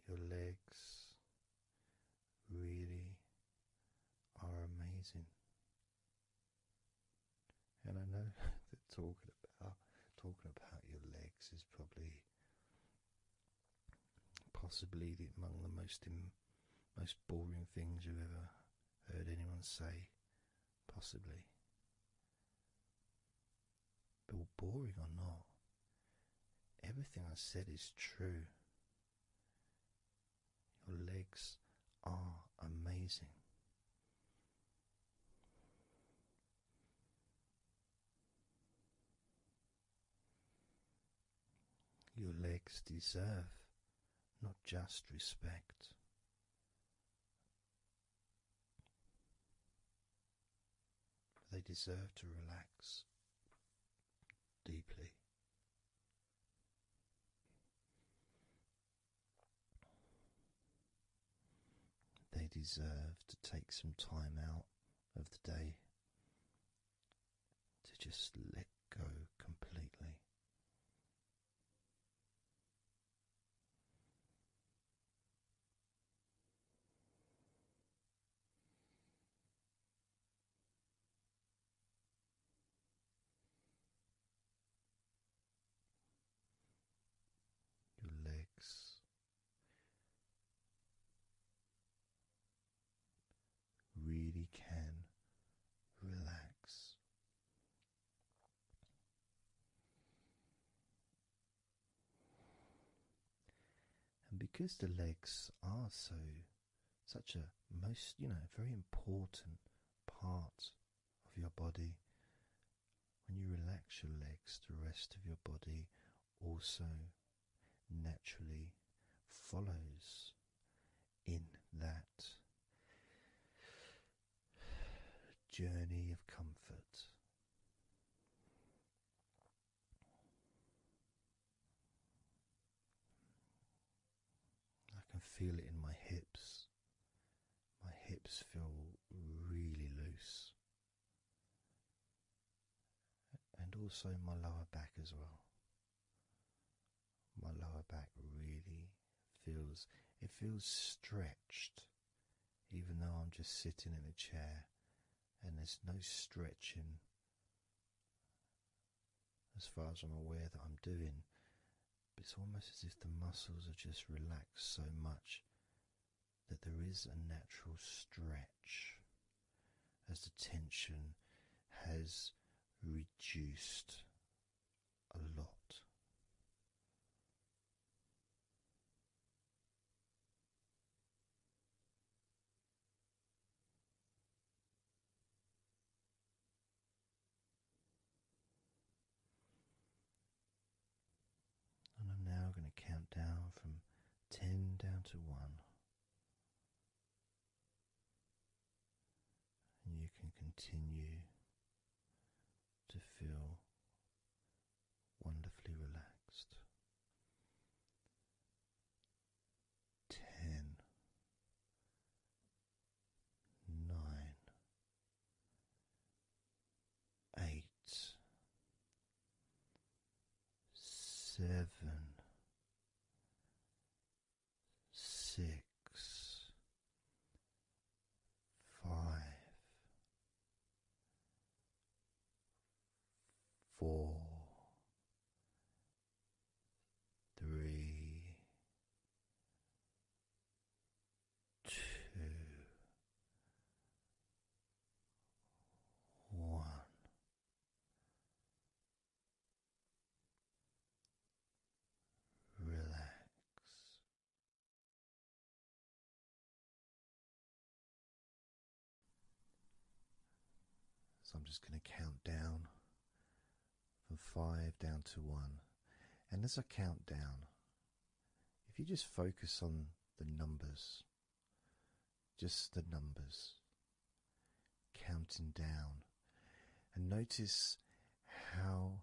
Your legs really are amazing. And I know that talking about talking about your legs is probably possibly the, among the most most boring things you've ever heard anyone say possibly. But boring or not, everything I said is true. Your legs are amazing. Your legs deserve not just respect, they deserve to relax deeply. They deserve to take some time out of the day to just let go completely your legs really can relax and because the legs are so such a most you know very important part of your body, when you relax your legs, the rest of your body also naturally follows in that journey of comfort. I can feel it in my hips. My hips feel really loose, and also my lower back as well. My lower back really feels it feels stretched, even though I'm just sitting in a chair and there's no stretching as far as I'm aware that I'm doing. But it's almost as if the muscles are just relaxed so much that there is a natural stretch as the tension has reduced a lot. And I'm now going to count down from ten down to one. And you can continue to feel wonderfully relaxed. Ten, nine, eight, seven, six five, four, three, two, one. Relax so I'm just going to count down from five down to one. And as I count down, if you just focus on the numbers, just the numbers, counting down, and notice how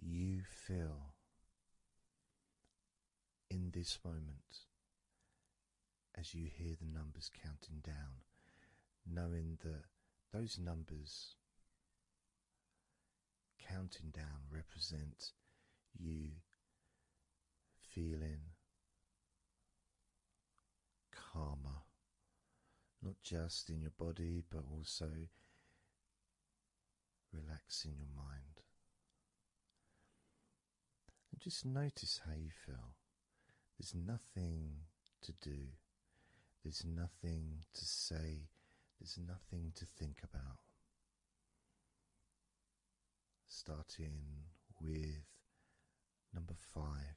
you feel in this moment as you hear the numbers counting down, knowing that those numbers counting down represent you feeling calmer, not just in your body but also relaxing your mind. And just notice how you feel. There's nothing to do, there's nothing to say, there's nothing to think about. Starting with number five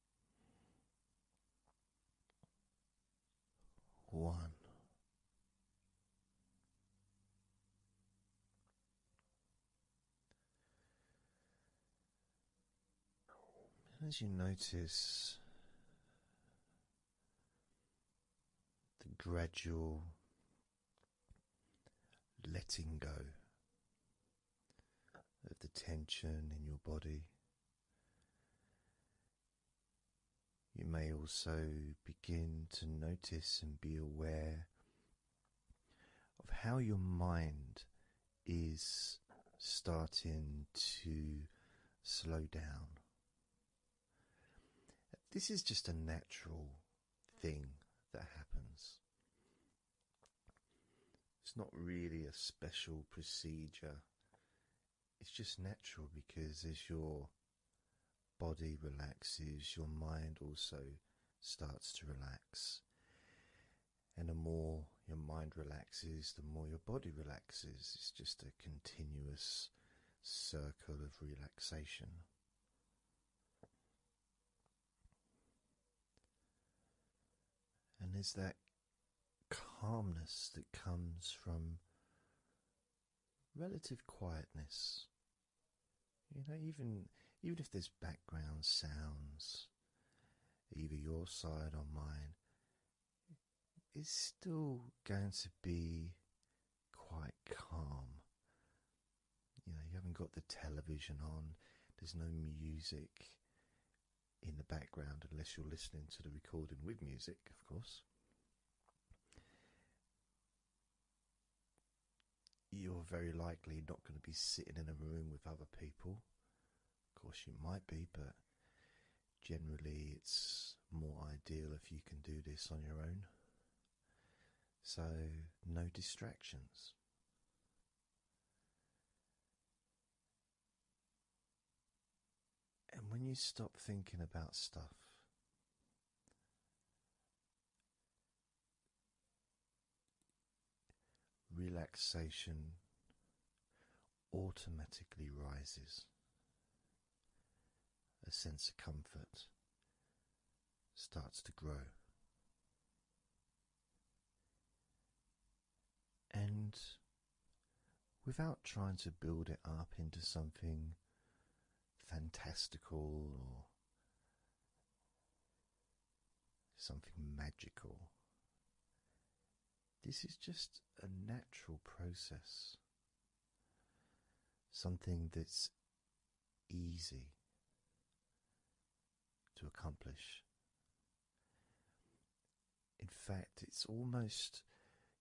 One. As you notice the gradual letting go of the tension in your body. You may also begin to notice and be aware of how your mind is starting to slow down. This is just a natural thing that happens. It's not really a special procedure. It's just natural because as your body relaxes, your mind also starts to relax. And the more your mind relaxes, the more your body relaxes. It's just a continuous circle of relaxation. And there's that calmness that comes from relative quietness. You know, even even if there's background sounds, either your side or mine, it's still going to be quite calm. You know, you haven't got the television on, there's no music, in the background unless you're listening to the recording with music, of course. You're very likely not going to be sitting in a room with other people. Of course, you might be, but generally, it's more ideal if you can do this on your own. So, no distractions. And when you stop thinking about stuff, relaxation automatically rises, a sense of comfort starts to grow. And without trying to build it up into something fantastical or something magical, this is just a natural process, something that's easy to accomplish in fact, it's almost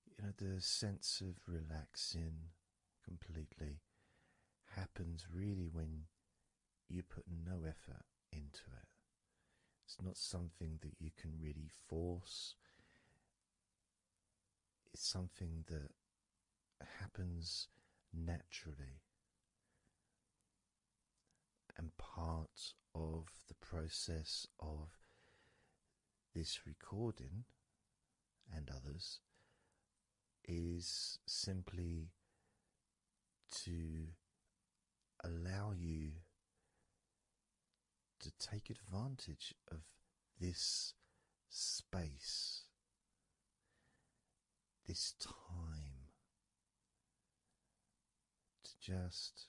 you know the sense of relaxing completely happens really when you put no effort into it. It's not something that you can really force. It's something that happens naturally and part of the process of this recording and others is simply to allow you to take advantage of this space, this time, to just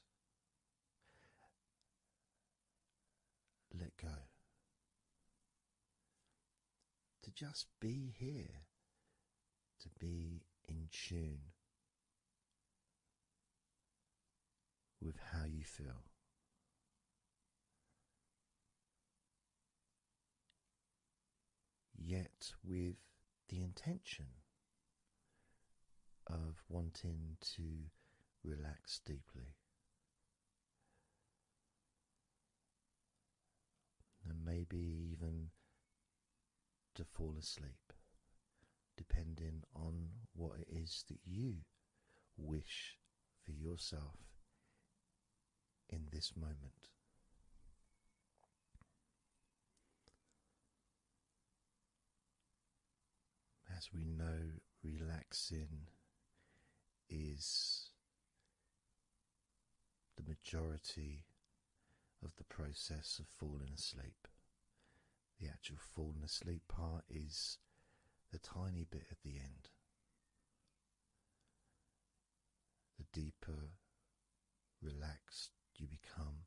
let go, to just be here, to be in tune with how you feel. Yet, with the intention of wanting to relax deeply. And maybe even to fall asleep, depending on what it is that you wish for yourself in this moment. As we know, relaxing is the majority of the process of falling asleep. The actual falling asleep part is the tiny bit at the end. The deeper relaxed you become,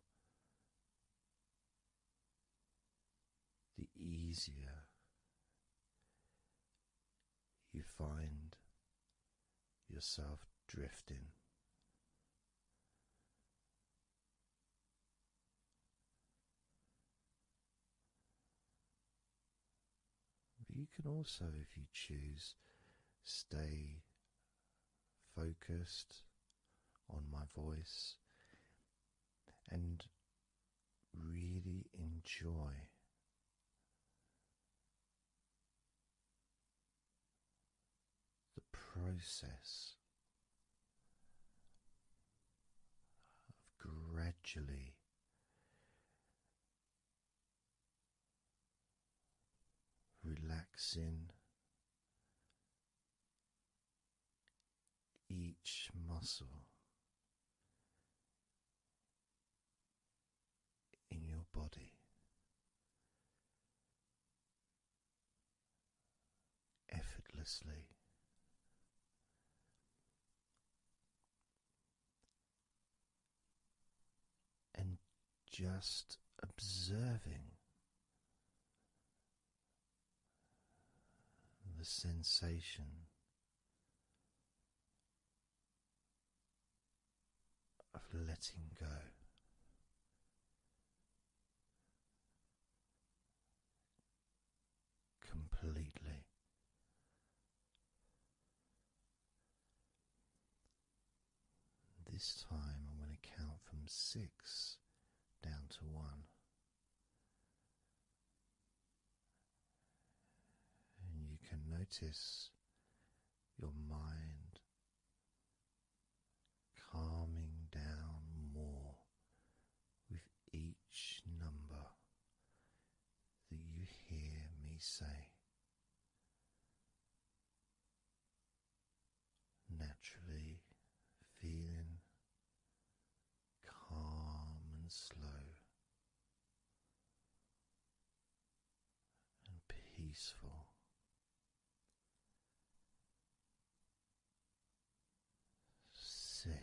the easier you find yourself drifting. But you can also, if you choose, stay focused on my voice and really enjoy the process of gradually. Relaxing each muscle in your body. Effortlessly, and just observing the sensation of letting go. Completely. This time I'm going to count from six down to one. And you can notice your mind calming down more with each number that you hear me say naturally feeling calm and slow and peaceful. Six.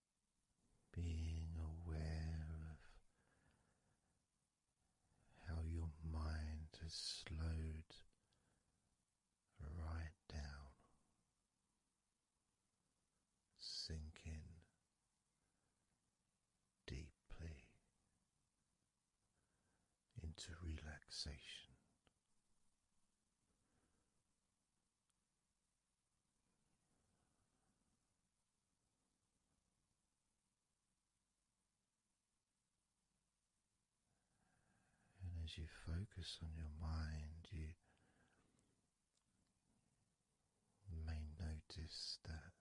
being aware of how your mind has slowed right down, sinking deeply into relaxation. And as you focus on your mind, you may notice that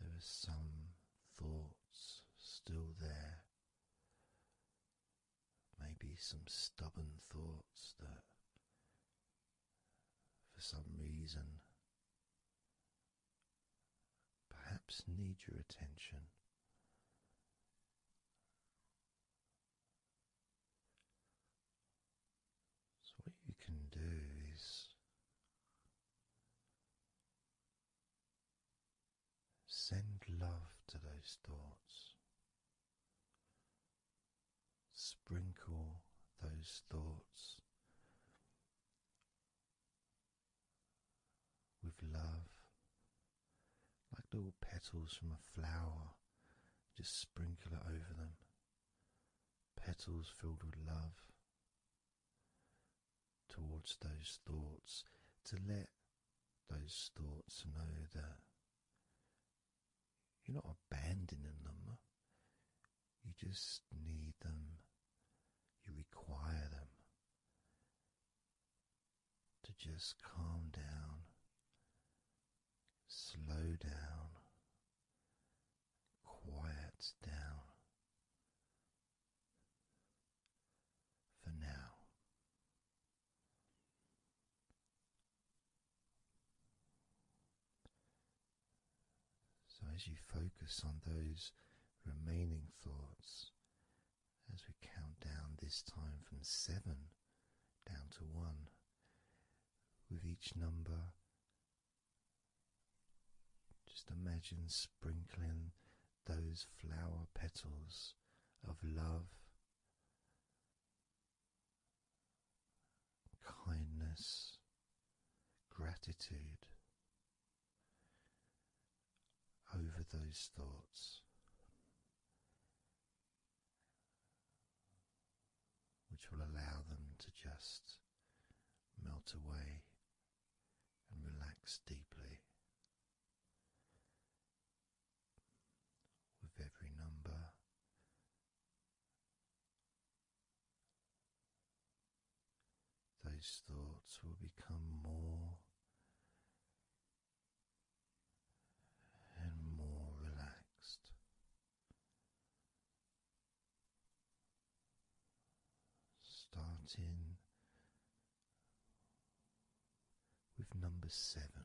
there are some thoughts still there, maybe some stubborn thoughts that for some reason perhaps need your attention. So, what you can do is send love to those thoughts. Sprinkle those thoughts with love, like little petals from a flower, just sprinkle it over them. Petals filled with love towards those thoughts to let those thoughts know that you're not abandoning them. You just need them. You require them to just calm down, slow down, quiet down for now. So, as you focus on those remaining thoughts, as we count down this time from seven down to one, with each number, just imagine sprinkling those flower petals of love kindness, gratitude over those thoughts. Which will allow them to just melt away and relax deeply with every number those thoughts will become more and more relaxed. Starting with number seven,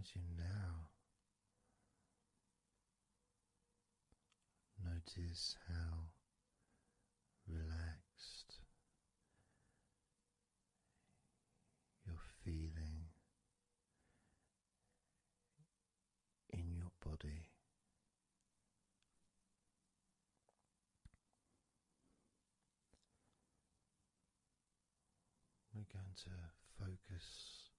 as you now notice how relaxed you're feeling in your body. We're going to focus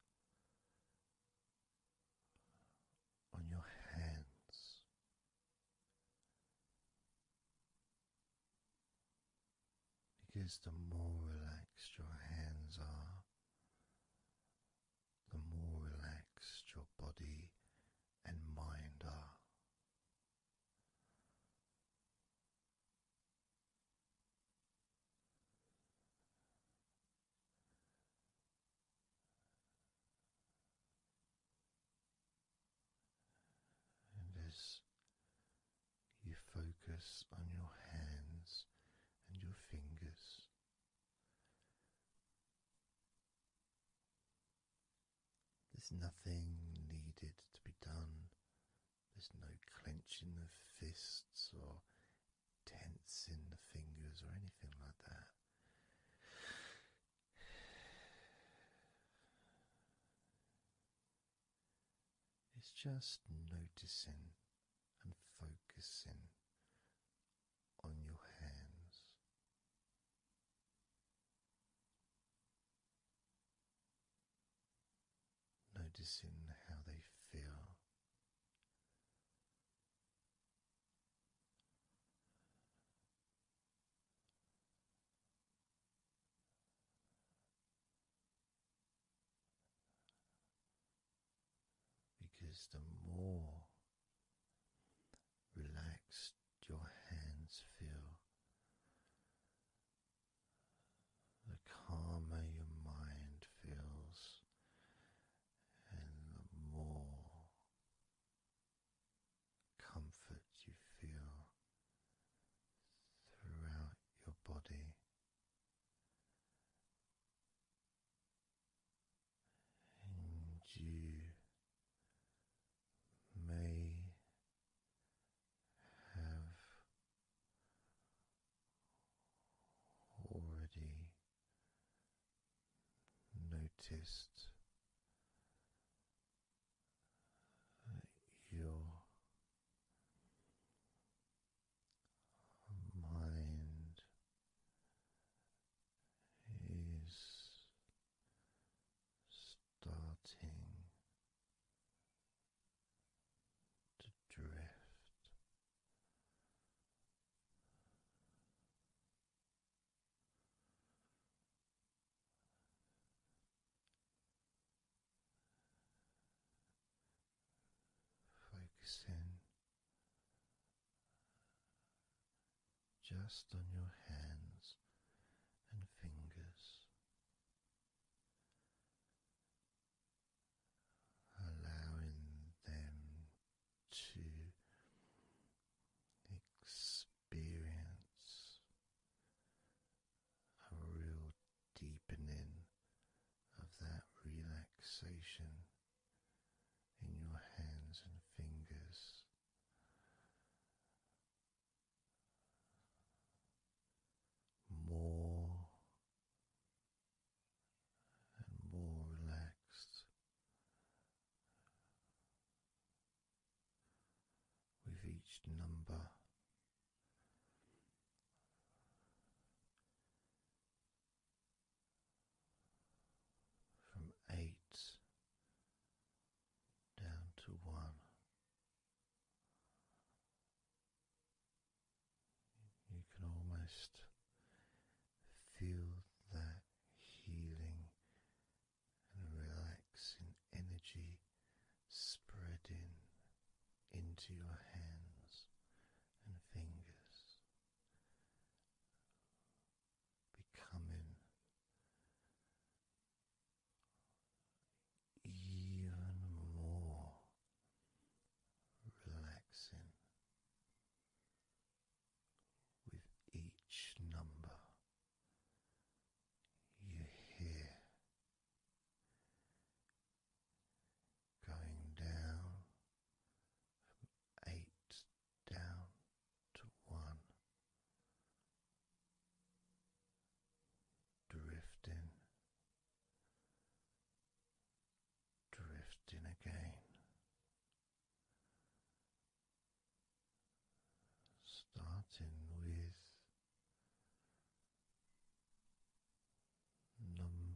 on your hands because the more relaxed your hands are, the more relaxed your body and mind are. And as you focus on your hands and your fingers. There's nothing needed to be done. There's no clenching of fists or tensing the fingers or anything like that. It's just noticing and focusing on your hands. Noticing how they feel, because the more relaxed your hands feel, the calmer your mind feels, and the more comfort you feel throughout your body and you may have already noticed that your mind is starting to drift. Focusing just on your hands and fingers, allowing them to experience a real deepening of that relaxation in your hands and fingers. More and more relaxed with each number from eight down to one. You can almost feel that healing and relaxing energy spreading into your hands and fingers, becoming even more relaxing with each number you hear going down from eight down to one, drifting, drifting again. Starting with number eight.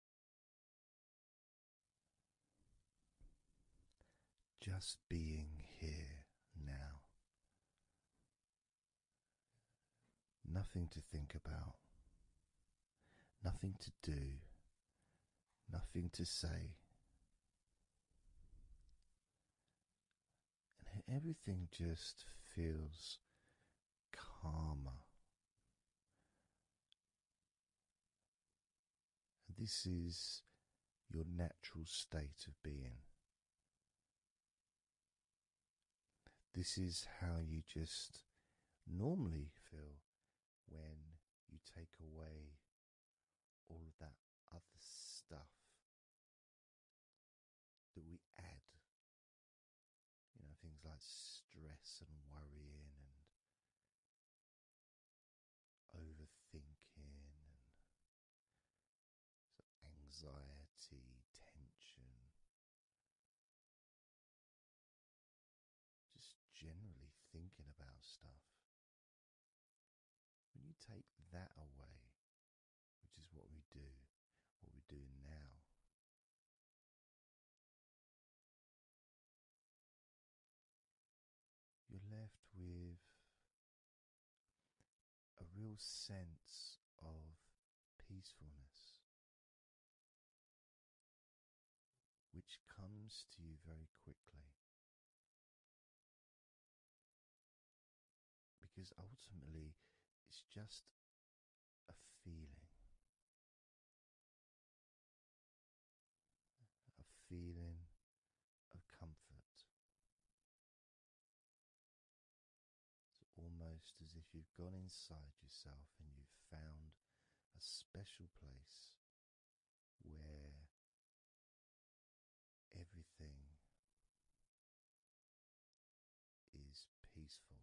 Just being here now. Nothing to think about, nothing to do, nothing to say. And everything just feels calmer this is your natural state of being. This is how you just normally feel when you take away all of that other stuff that we add. You know, things like stress and worrying and overthinking and anxiety, tension, just generally thinking about stuff. When you take that away, which is what we do, what we're doing now, you're left with a real sense of peacefulness, which comes to you very quickly. Because ultimately, it's just a feeling a feeling of comfort. It's almost as if you've gone inside yourself and you've found a special place where everything is peaceful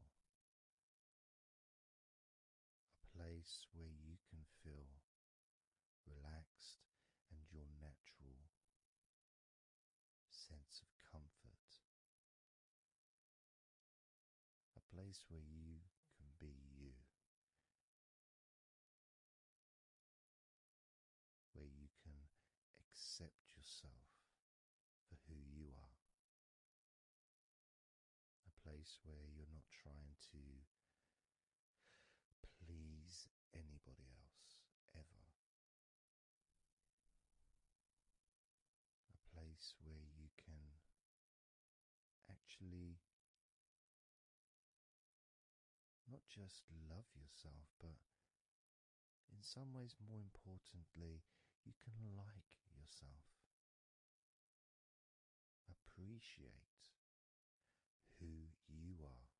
a place where you can feel relaxed and your natural sense of comfort, a place where you can be you. Where you can accept yourself for who you are. A place where you're not trying to please anybody else ever. A place where you can actually not just love yourself, but in some ways, more importantly, you can like yourself. Appreciate who you are.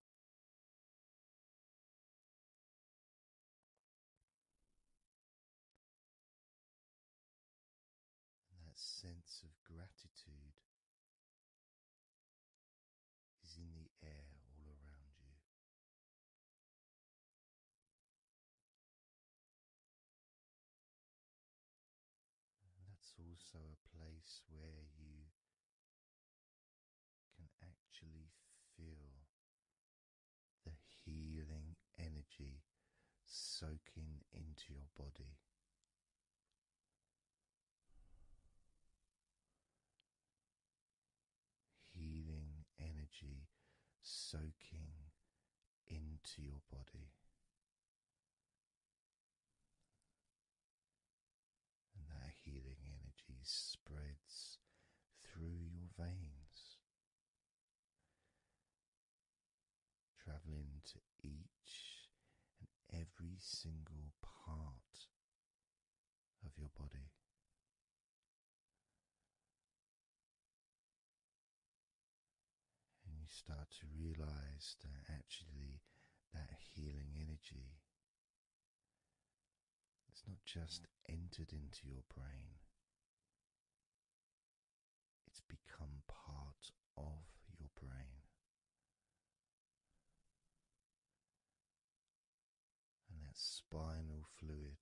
And that sense of gratitude is in the air all around you that's also a place where you can actually feel the healing energy soaking into your body. Healing energy soaking into your body and that healing energy spreads through your veins, traveling to each and every single part of your body. And you start to realize that actually that healing energy. It's not just entered into your brain, it's become part of your brain. And that spinal fluid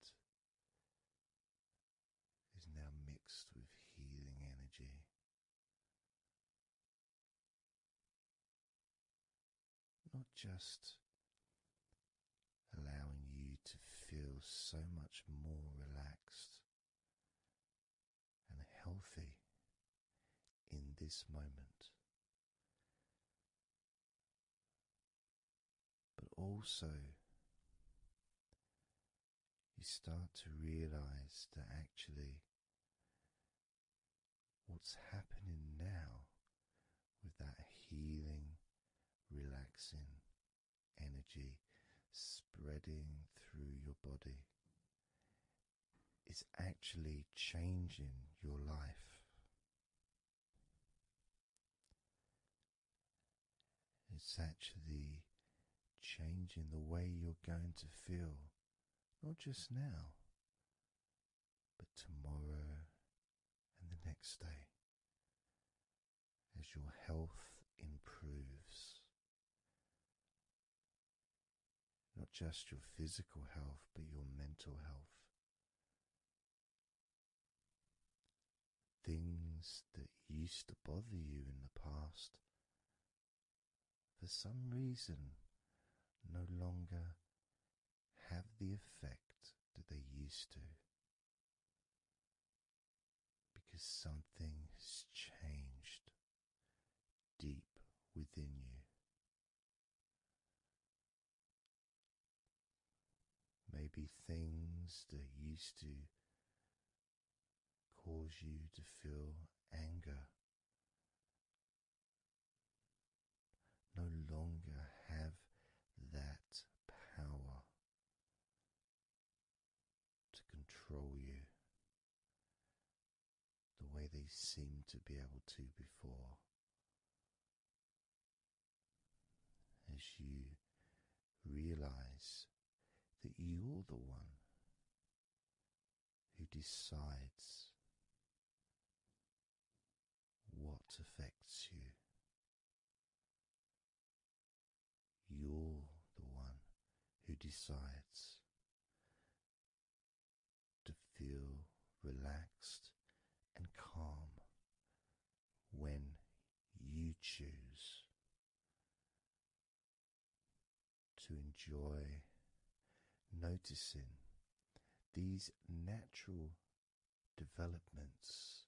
is now mixed with healing energy. Not just allowing you to feel so much more relaxed and healthy in this moment, but also. You start to realize that actually what's happening now with that healing, relaxing energy spreading through your body. Is actually changing your life. It's actually changing the way you're going to feel not just now, but tomorrow and the next day, as your health improves. Not just your physical health, but your mental health. Things that used to bother you in the past for some reason no longer have the effect that they used to because something has changed deep within you. Maybe things that used to cause you to feel anger no longer have that power to control you the way they seemed to be able to before. As you realize that you're the one who decides what affects you. You're the one who decides to feel relaxed and calm when you choose to enjoy noticing these natural developments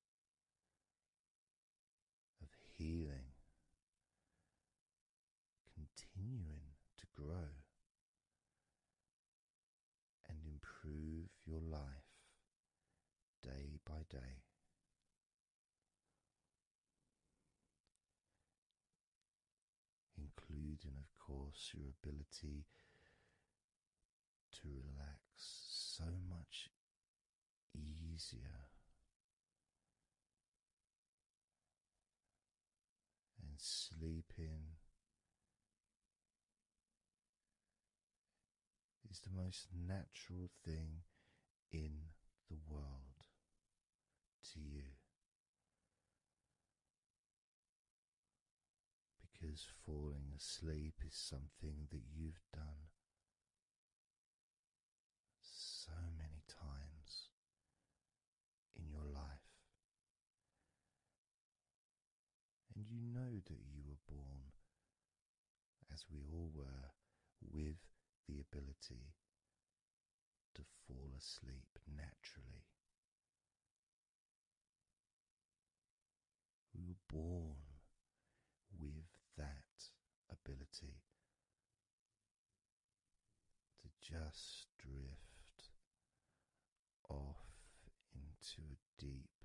of healing continuing to grow and improve your life day by day including, of course, your ability to relax so much easier and sleeping. Is the most natural thing in the world to you because falling asleep is something that you've done so many times in your life, and you know that you were born, as we all were, with the ability to fall asleep naturally. We were born with that ability to just drift off into a deep,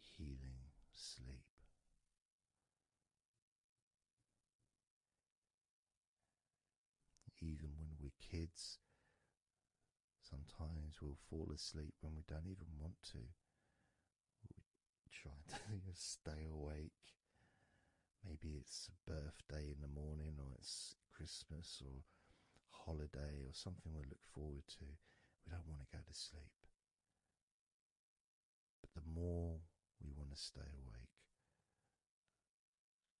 healing sleep. Even when we're kids, sometimes we'll fall asleep when we don't even want to. We try to stay awake. Maybe it's a birthday in the morning, or it's Christmas, or holiday, or something we look forward to. We don't want to go to sleep. But the more we want to stay awake,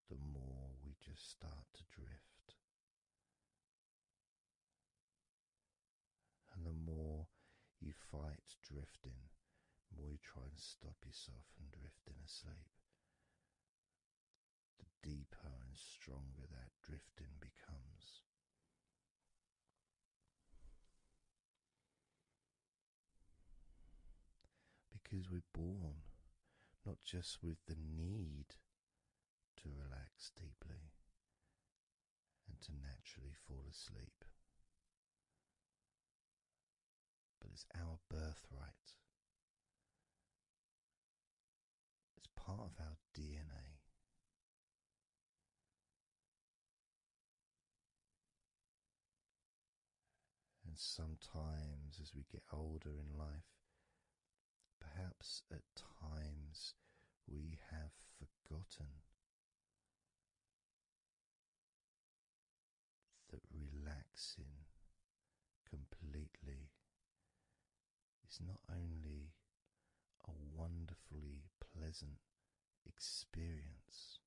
the more we just start to drift. And the more you fight drifting, the more you try and stop yourself from drifting asleep, the deeper and stronger that drifting becomes because we're born not just with the need to relax deeply and to naturally fall asleep, but it's our birthright. It's part of our DNA. And sometimes, as we get older in life, perhaps at times we have forgotten that relaxing completely is not only a wonderfully pleasant experience.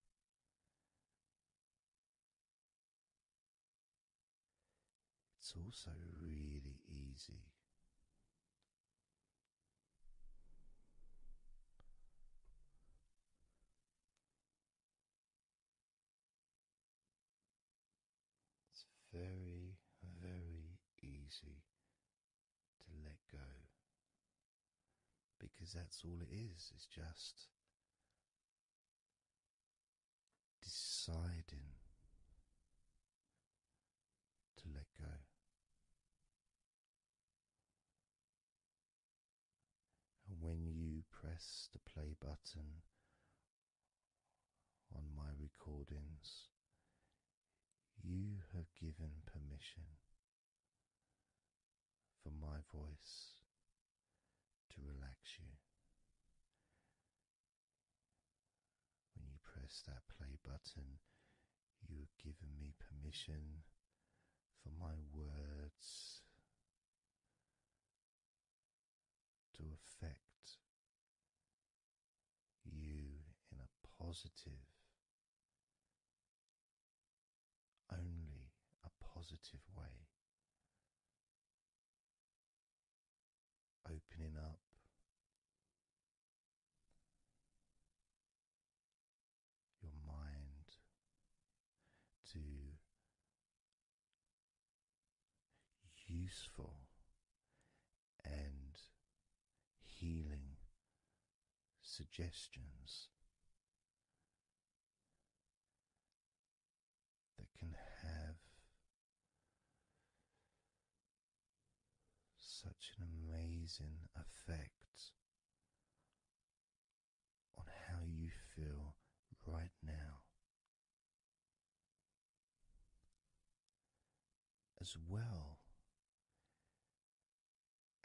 It's also really easy it's very, very easy to let go because that's all it is, it's just deciding to let go. And when you press the play button on my recordings, you have given permission for my voice to relax you when you press that play button, you are giving me permission for my words to affect you in a positive, only a positive way opening up. Your mind to useful and healing suggestions that can have such an amazing effect on how you feel right now, as well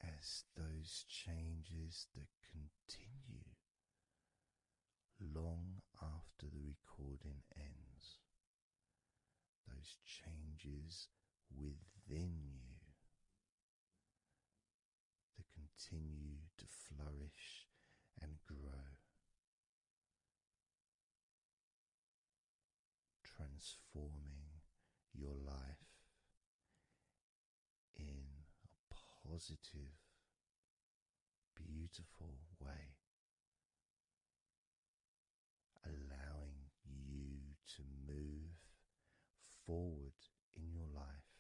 as those changes that continue long after the recording ends. Those changes within you that continue to flourish and grow, transforming your life in a positive, beautiful way allowing you to move forward in your life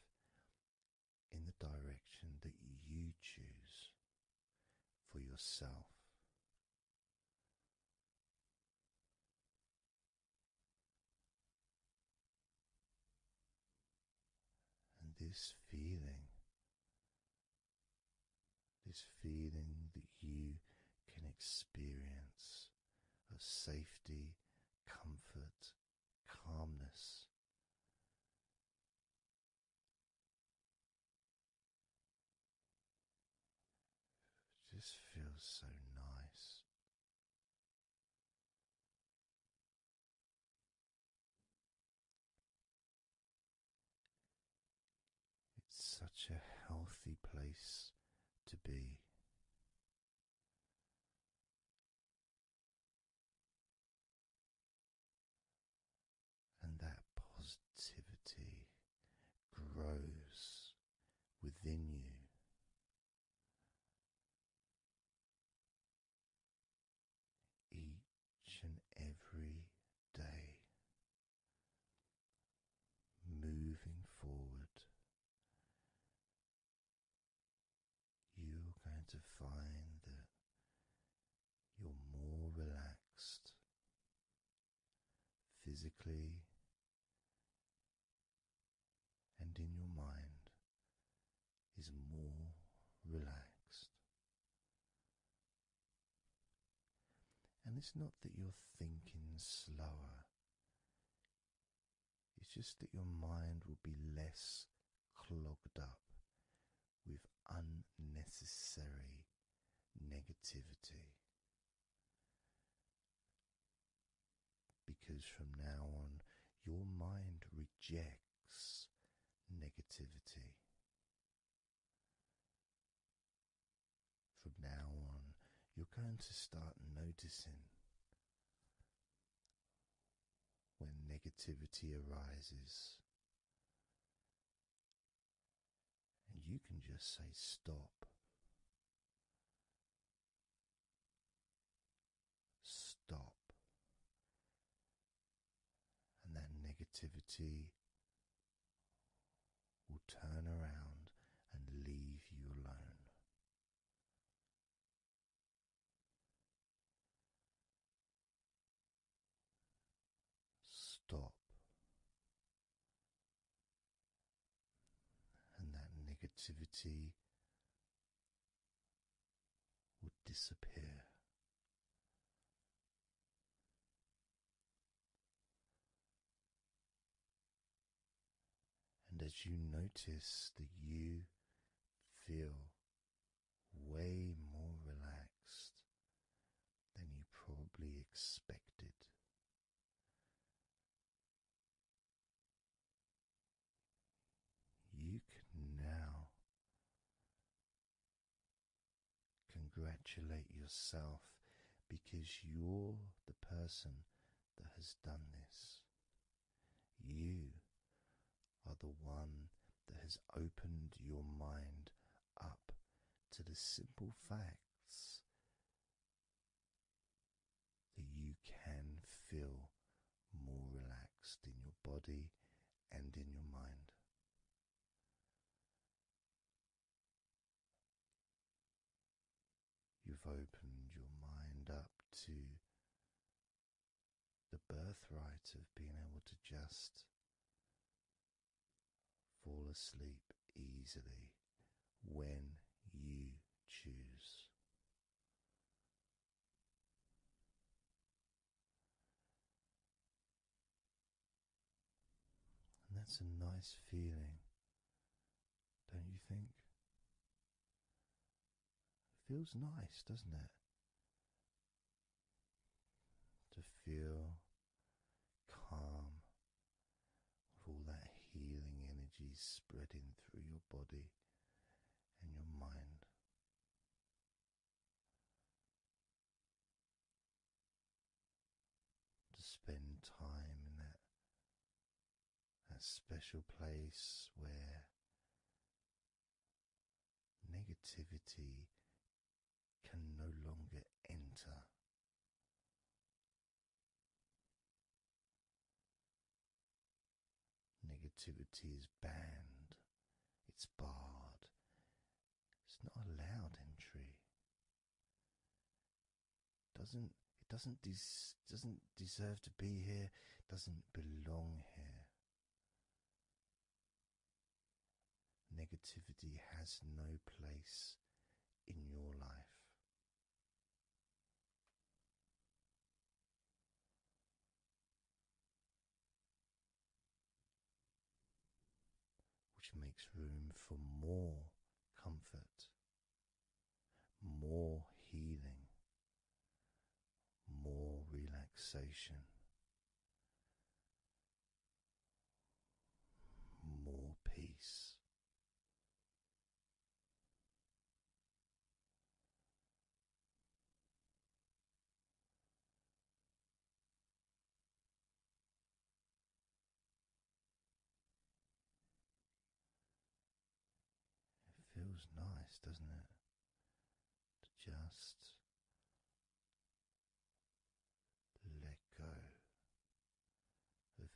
in the direction that you choose for yourself. And this feeling this feeling that you can experience of safety, comfort, calmness. just feels so nice. It's such a healthy place to be. And that positivity grows within you each and every day, moving forward, you're going to find that you're more relaxed physically and in your mind is more relaxed. And it's not that you're thinking slower, it's just that your mind will be less clogged up with unnecessary negativity. Because from now on, your mind rejects negativity. From now on, you're going to start noticing when negativity arises. And you can just say stop. Stop and that negativity will turn around and leave you alone. Stop. And that negativity will disappear and as you notice that you feel way more relaxed than you probably expected, you can now Congratulate yourself because you're the person that has done this. You are the one that has opened your mind up to the simple facts that you can feel more relaxed in your body and in your mind. You've opened your mind up to the birthright of being able to just fall asleep easily when you choose. And that's a nice feeling, don't you think? feels nice, doesn't it? To feel calm with all that healing energy spreading through your body and your mind to spend time in that, that special place where negativity can no longer enter. Negativity is banned, it's barred, it's not allowed entry. Doesn't it doesn't des doesn't deserve to be here, doesn't belong here. Negativity has no place in your life which makes room for more comfort, more healing, more relaxation, more peace. It feels nice, doesn't it? To just let go of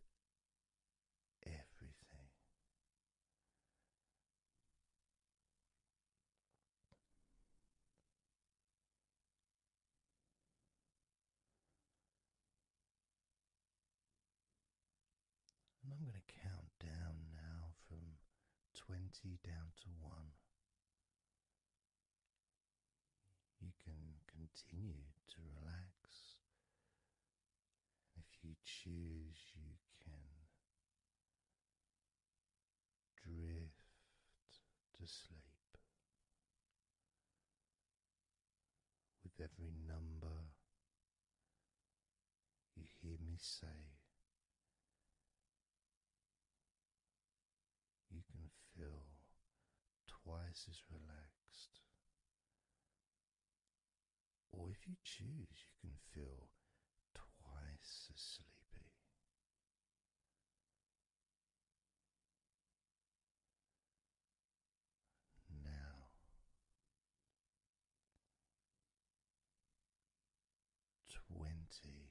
everything. I'm going to count down now from 20 down to 1. You can continue to relax. If you choose, you can drift to sleep with every number you hear me say. You can feel twice as relaxed, or if you choose, you can feel twice as sleepy. Now, twenty.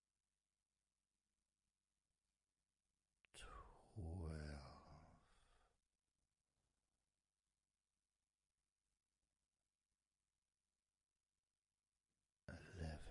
twelve. Eleven,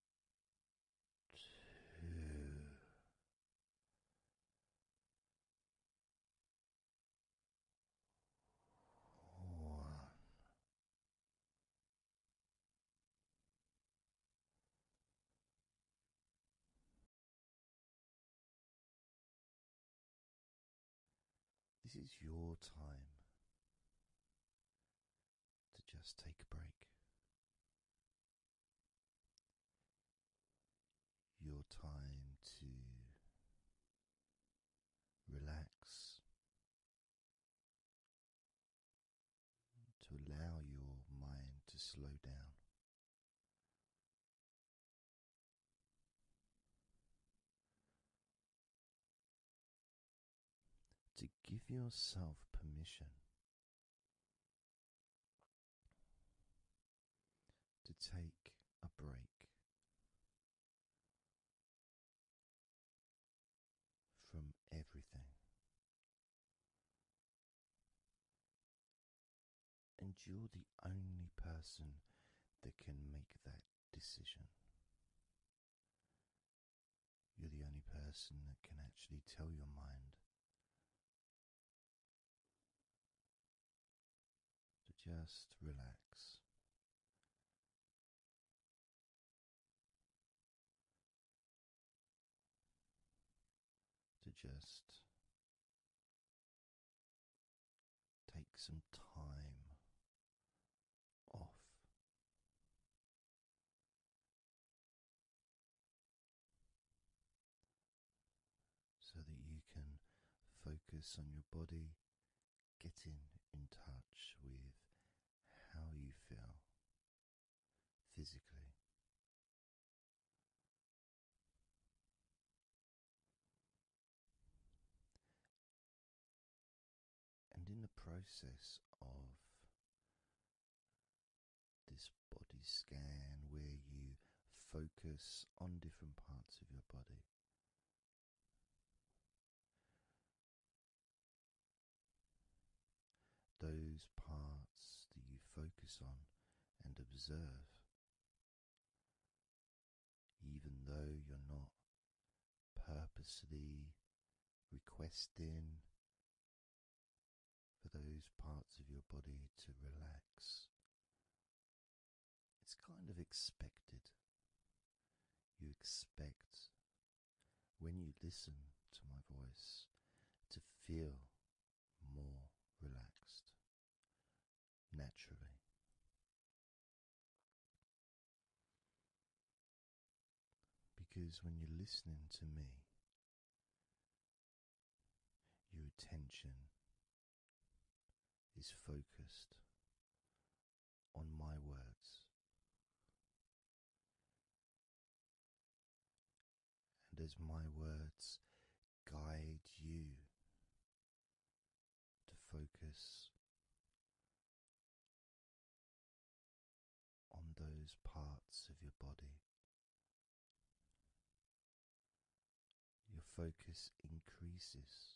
This is your time to just take a break. Your time to relax, to allow your mind to slow down to give yourself permission to take a break from everything and you're the only person that can make that decision you're the only person that can actually tell your mind to just relax. To just take some time off so that you can focus on your body, getting in touch with how you feel physically. And in the process of this body scan, where you focus on different parts of your body, those parts that you focus on and observe, even though you're not purposely requesting for those parts of your body to relax. It's kind of expected. You expect, when you listen to my voice, to feel more relaxed naturally. Because when you're listening to me, your attention is focused on my words. And as my words guide you to focus on those parts of your body. Your focus increases.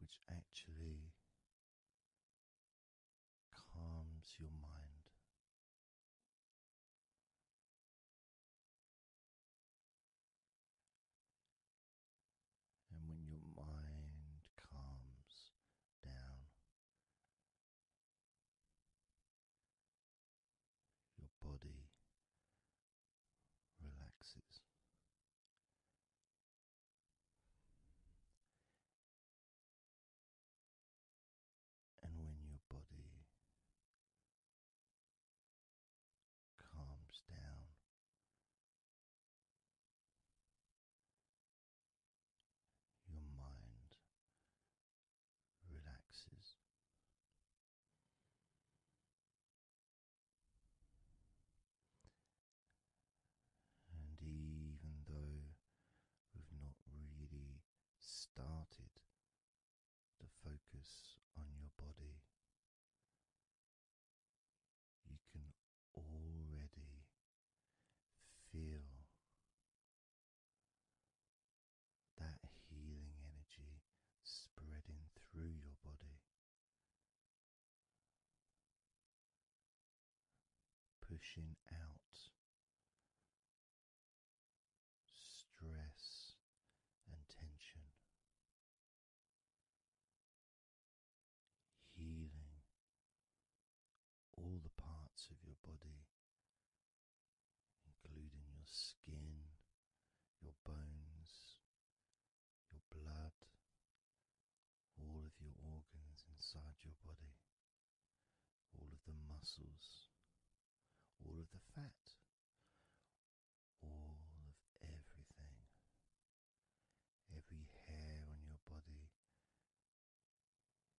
Which actually calms your mind and when your mind calms down, your body relaxes. And when your body calms down. Your mind relaxes. And even though we've not really started to focus on your body, you can already feel that healing energy spreading through your body, pushing out stress and tension healing all the parts of your body, including your skin, your bones, your blood, all of your organs inside your body, all of the muscles, all of the fat, all of everything, every hair on your body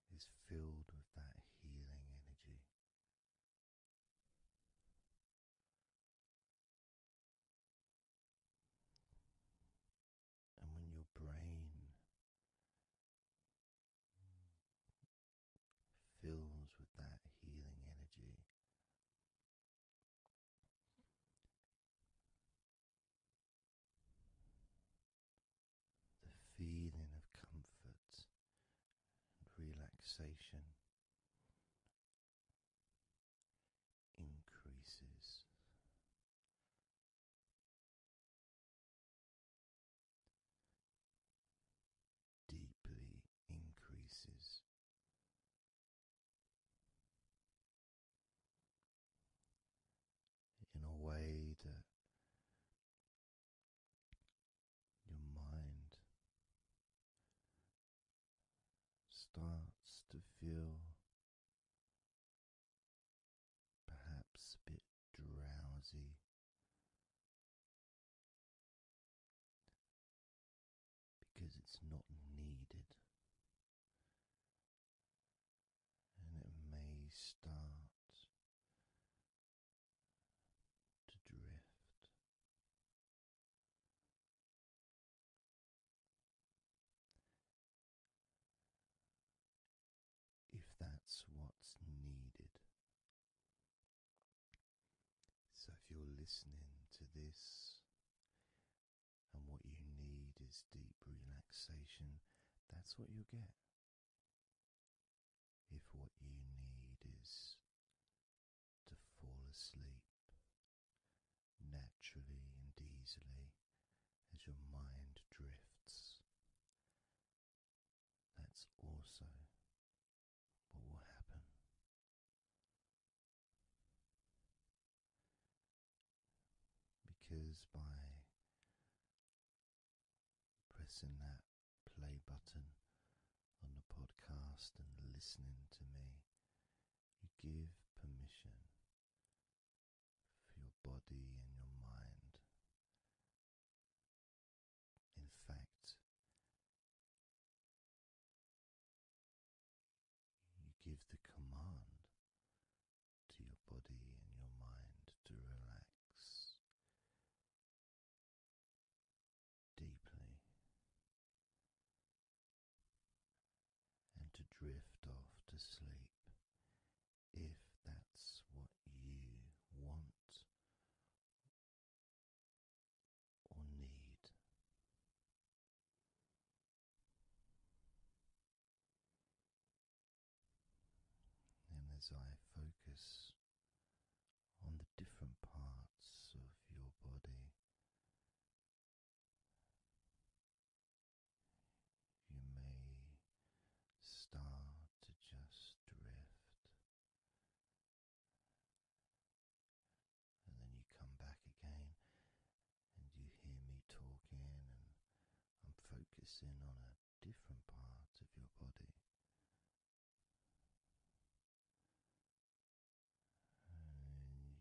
is filled with that healing energy. And when your brain fills with that healing energy, the feeling of comfort and relaxation increases. Deeply increases in a way that your mind starts to feel perhaps a bit drowsy because it's not needed. And it may start to drift. If that's what's needed. So, if you're listening to this and what you need is deep relaxation, that's what you'll get. If what you need is to fall asleep naturally and easily as your mind drifts, that's also what will happen. Because by pressing that play button on the podcast and listening to me, you give permission for your body and your mind. In fact, you give the command to your body and your mind to relax deeply and to drift off to sleep if that's what you want or need. And as I focus on the different parts of your body, you may start to just drift and then you come back again and you hear me talking, and I'm focusing on a different part of your body. And you may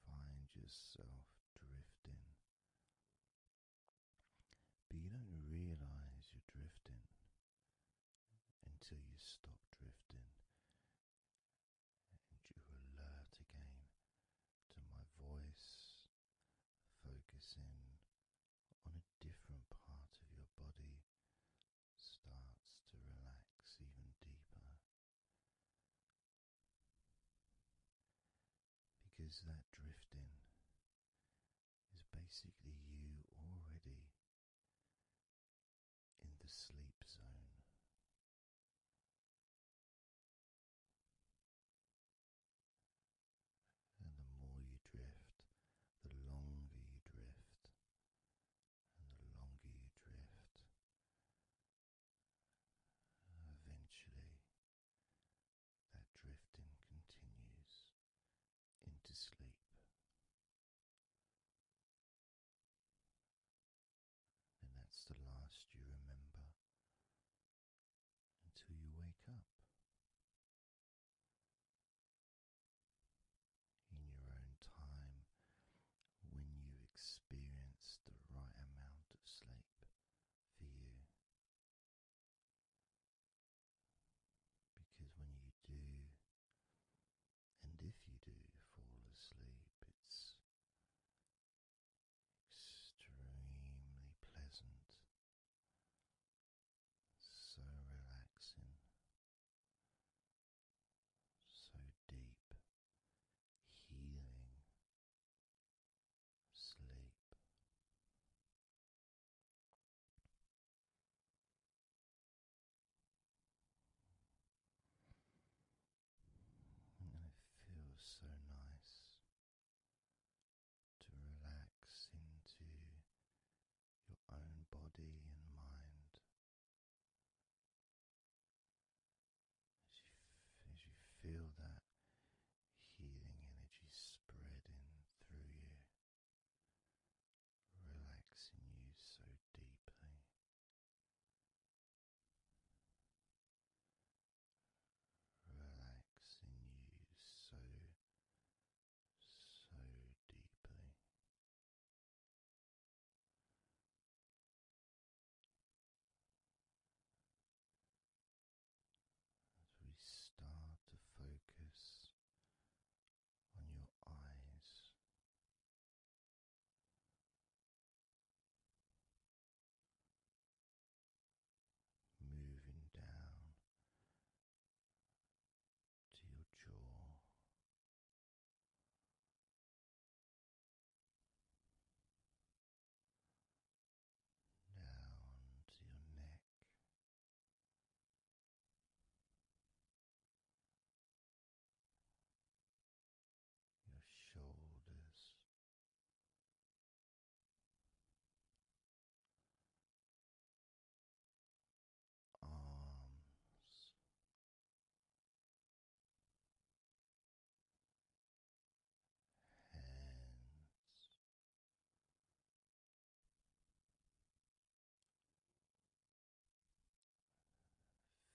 find yourself drifting, but you don't realize you're drifting until you stop drifting and you alert again to my voice, focusing on a different part of your body starts to relax even deeper. Because that drifting is basically you already in the sleep zone. And the more you drift, the longer you drift, and the longer you drift, eventually that drifting continues into sleep and that's the last you remember until you wake up in your own time when you experience the right amount of sleep for you. Because when you do and if you do fall asleep, it's extremely pleasant, so relaxing, so deep, healing sleep it feels so nice to relax into your own body and mind as you, as you feel that healing energy spreading through you. Relaxing you so deeply, relaxing you so, so deeply. As we start to focus on your eyes, moving down to your jaw. Down to your neck, your shoulders, arms, hands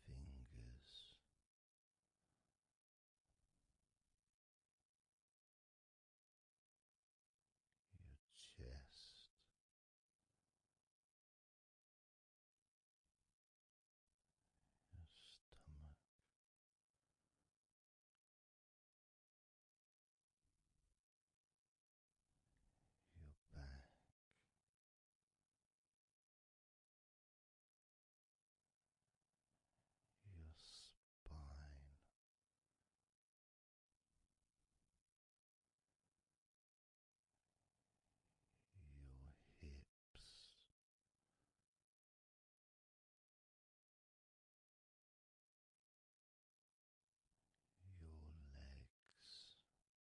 fingers. Your chest, your stomach, your back, your spine. Your hips, your legs,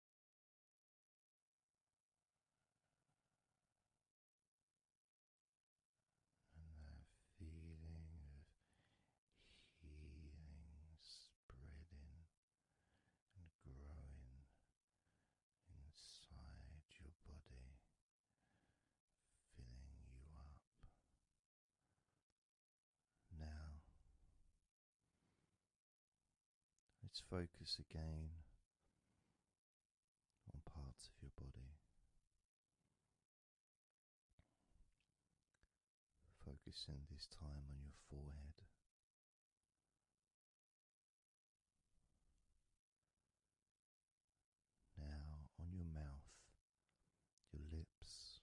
that feeling of healing spreading and growing inside your body, filling you up. Now Let's focus again on parts of your body. Focusing this time on your forehead. Now on your mouth, your lips,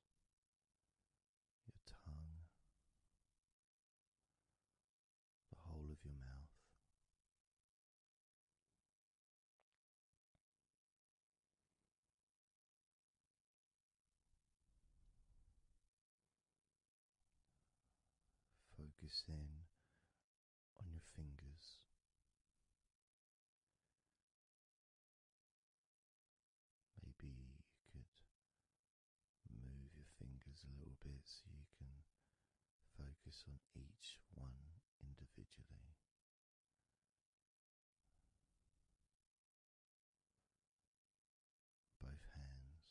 your tongue, the whole of your mouth. Focus in on your fingers. Maybe you could move your fingers a little bit so you can focus on each one individually. Both hands,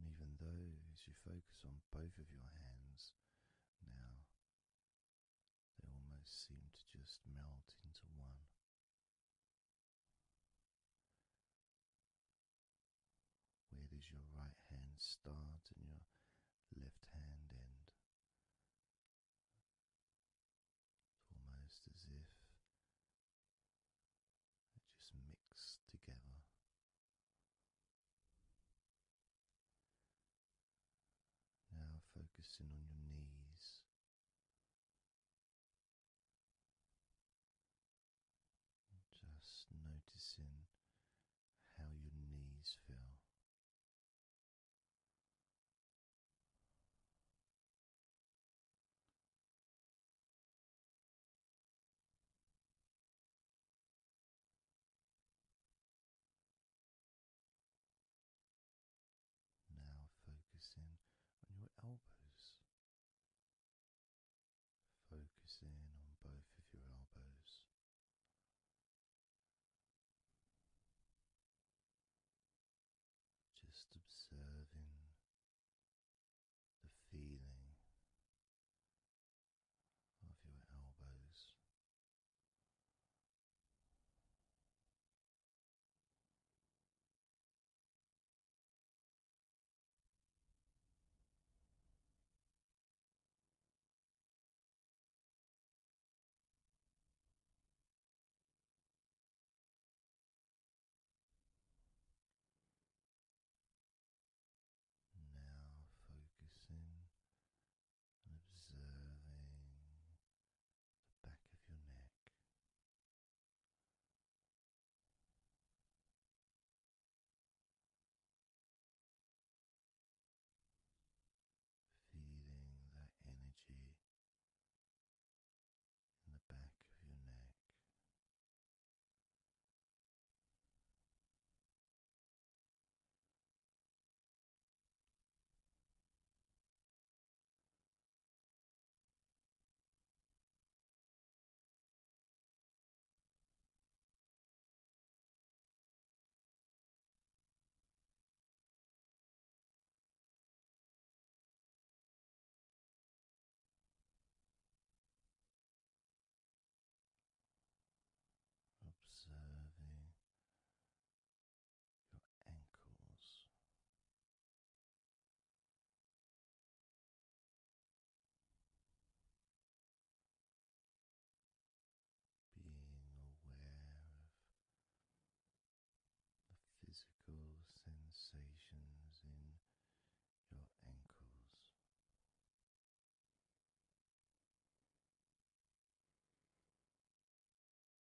and even though you focus on both of your hands now, they almost seem to just melt into one. Where does your right hand start and your left hand end? It's almost as if they just mix together. Now focusing on your knees. Just noticing how your knees feel. Now focusing on your elbows. Focusing on both of your elbows. Just observing the feeling of your elbows. Now focusing and observing the back of your neck. Feeling that energy in the back of your neck. Observing your ankles, being aware of the physical sensations in your ankles.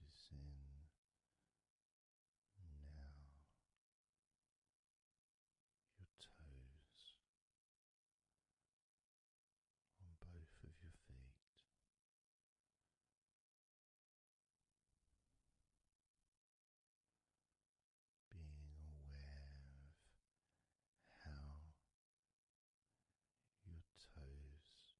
Noticing your toes, on both of your feet. Being aware of how your toes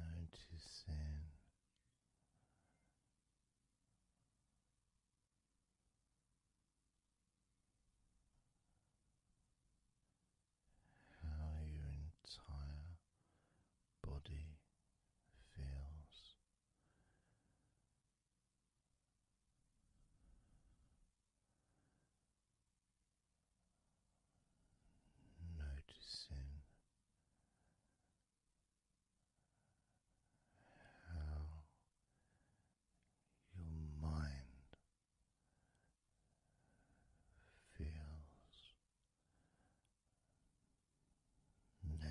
Noticing how your entire body feels. Noticing how your mind feels now.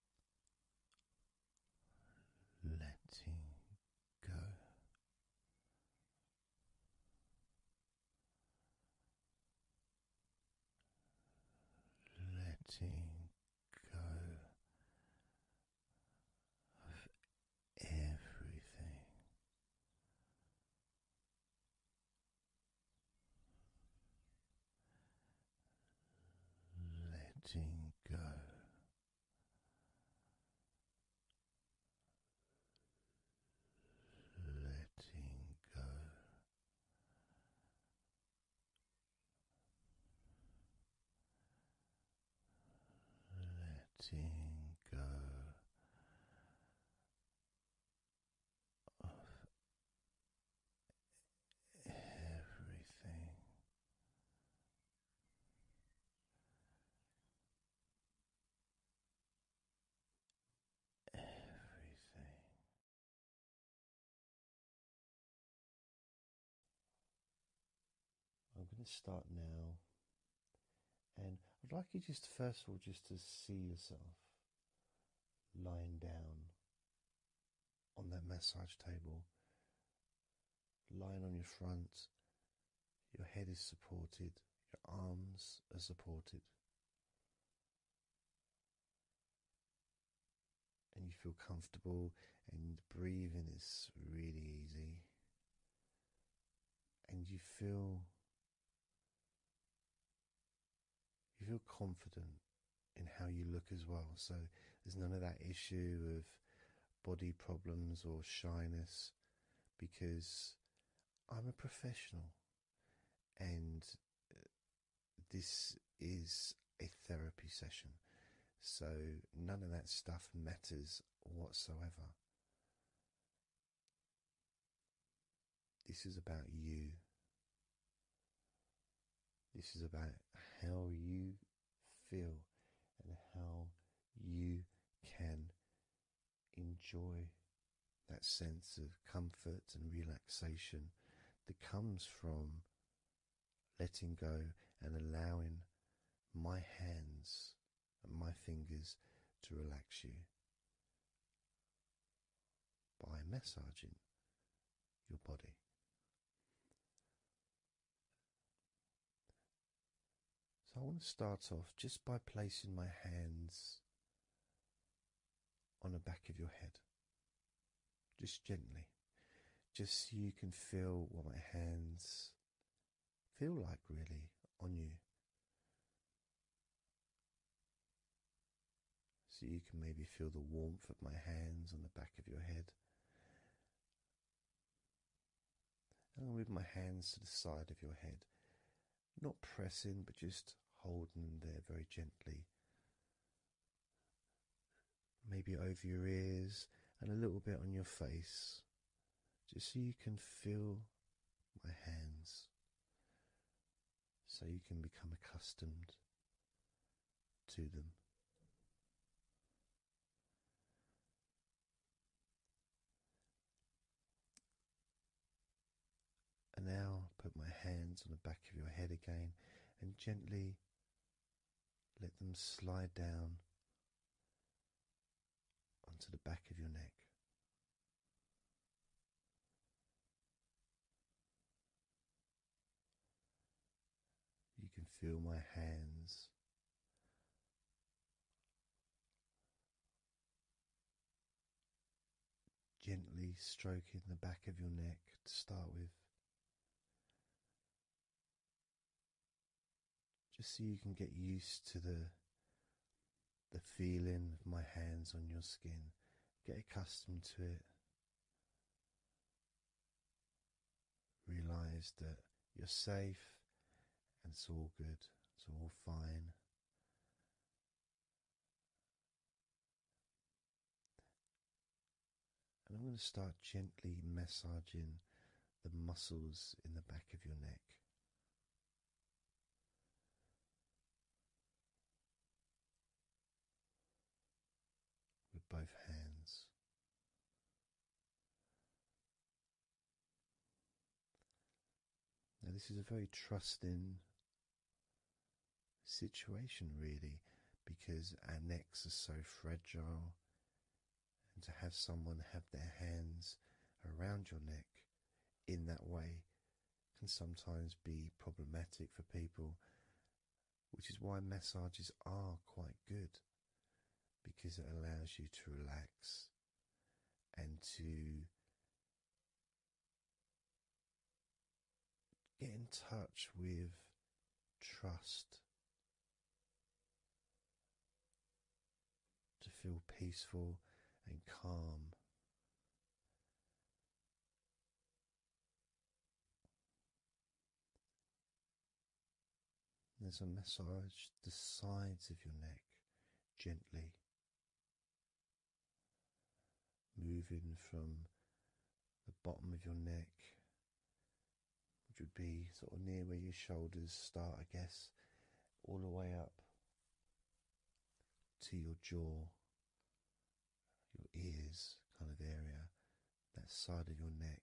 letting go. Letting go of everything, letting go. Letting go, letting go of everything. Everything I'm going to start now, and I'd like you just first of all just to see yourself lying down on that massage table, lying on your front. Your head is supported, your arms are supported, and you feel comfortable, and breathing is really easy, and you feel. You feel confident in how you look as well. So there's none of that issue of body problems or shyness because I'm a professional and uh, this is a therapy session. So none of that stuff matters whatsoever. This is about you. This is about how you feel and how you can enjoy that sense of comfort and relaxation that comes from letting go and allowing my hands and my fingers to relax you by massaging your body. So I want to start off just by placing my hands on the back of your head, just gently, just so you can feel what my hands feel like really on you. So you can maybe feel the warmth of my hands on the back of your head I'll move my hands to the side of your head. Not pressing, but just holding there very gently. Maybe over your ears and a little bit on your face, just so you can feel my hands, so you can become accustomed to them. And now put my hands on the back of your head again and gently let them slide down onto the back of your neck. You can feel my hands. Gently stroking the back of your neck to start with, just so you can get used to the the feeling of my hands on your skin, get accustomed to it realize that you're safe and it's all good, it's all fine. And I'm going to start gently massaging the muscles in the back of your neck. With both hands, now, this is a very trusting situation, really, because our necks are so fragile, and to have someone have their hands around your neck in that way can sometimes be problematic for people which is why massages are quite good because it allows you to relax and to get in touch with trust. To feel peaceful and calm, there's a massage the sides of your neck gently, moving from the bottom of your neck, which would be sort of near where your shoulders start, I guess, all the way up to your jaw, your ears kind of area, that side of your neck.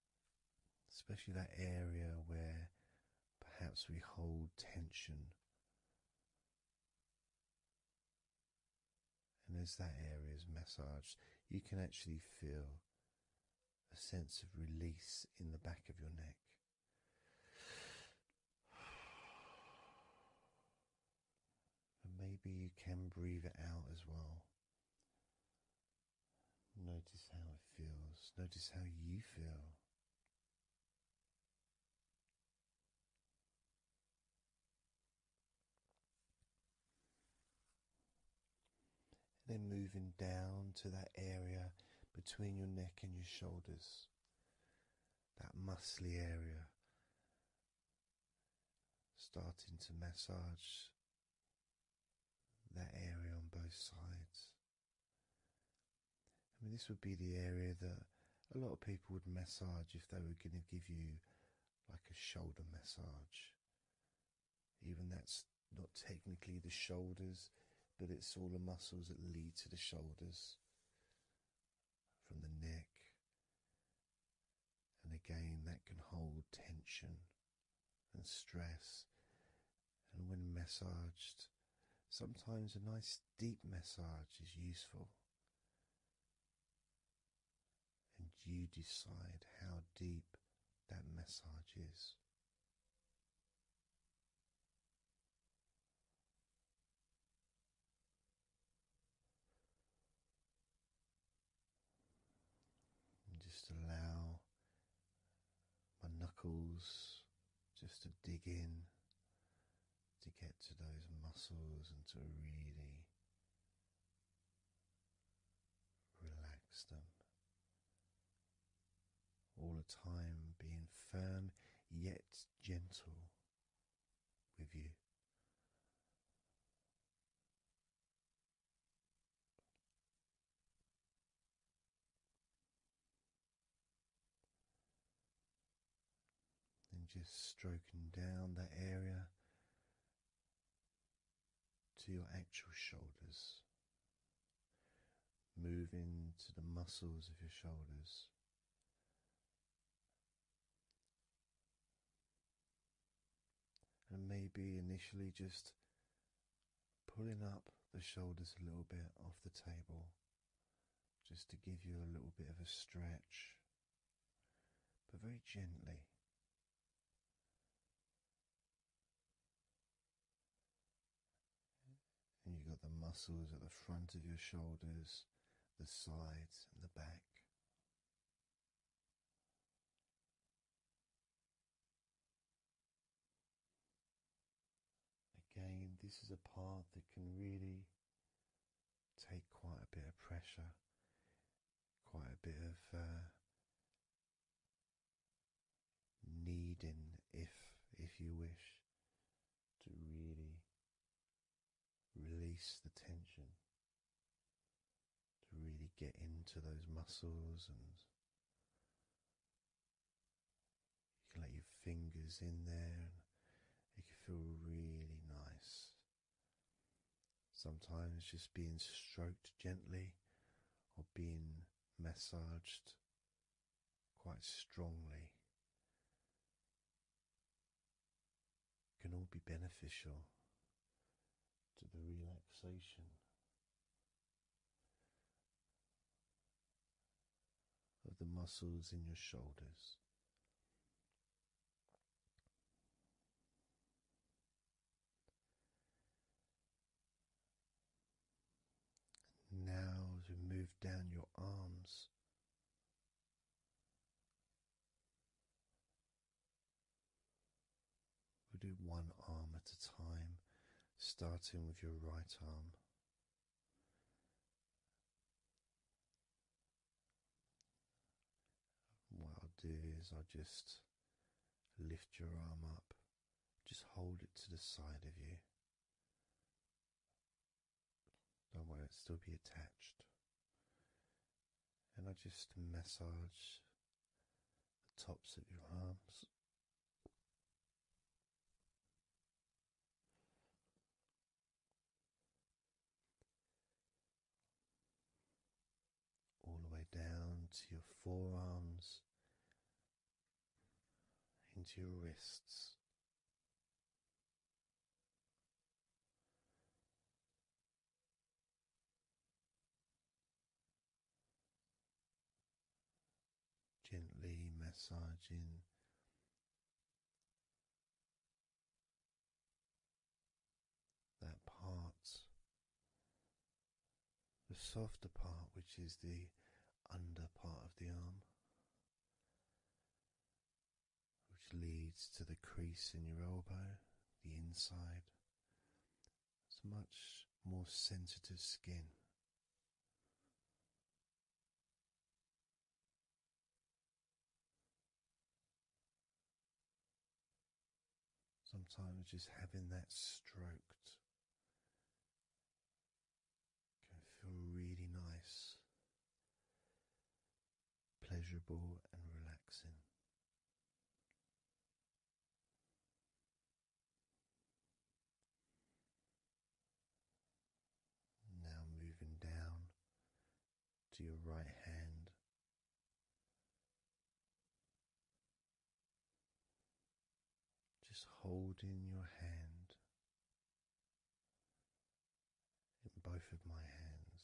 especially that area where perhaps we hold tension. And as that area is massaged, you can actually feel a sense of release in the back of your neck. And maybe you can breathe it out as well. Notice how it feels, notice how you feel. then moving down to that area between your neck and your shoulders, that muscly area, starting to massage that area on both sides. I mean, this would be the area that a lot of people would massage if they were going to give you like a shoulder massage. Even that's not technically the shoulders, but it's all the muscles that lead to the shoulders from the neck. And again, that can hold tension and stress. And when massaged, sometimes a nice deep massage is useful. And you decide how deep that massage is. just allow my knuckles just to dig in to get to those muscles and to really relax them. All the time being firm yet gentle with you. And just stroking down that area to your actual shoulders, moving to the muscles of your shoulders. And maybe initially just pulling up the shoulders a little bit off the table just to give you a little bit of a stretch, but very gently. And you've got the muscles at the front of your shoulders, the sides, and the back. Again, this is a part that can really take quite a bit of pressure, quite a bit of uh, needing, if if you wish, to really release the tension, to really get into those muscles and you can let your fingers in there and it can feel really nice. Sometimes just being stroked gently or being massaged quite strongly can all be beneficial to the relaxation of the muscles in your shoulders. Now, as we move down your arms, we do one arm at a time, starting with your right arm. What I'll do is I'll just lift your arm up, just hold it to the side of you. Don't worry, it'll still be attached. And I just massage the tops of your arms all the way down to your forearms, into your wrists gently massaging that part, the softer part, which is the under part of the arm, which leads to the crease in your elbow, the inside. It's much more sensitive skin. Sometimes just having that stroked can feel really nice, pleasurable, and relaxing. Now moving down to your right hand. Just holding your hand in both of my hands,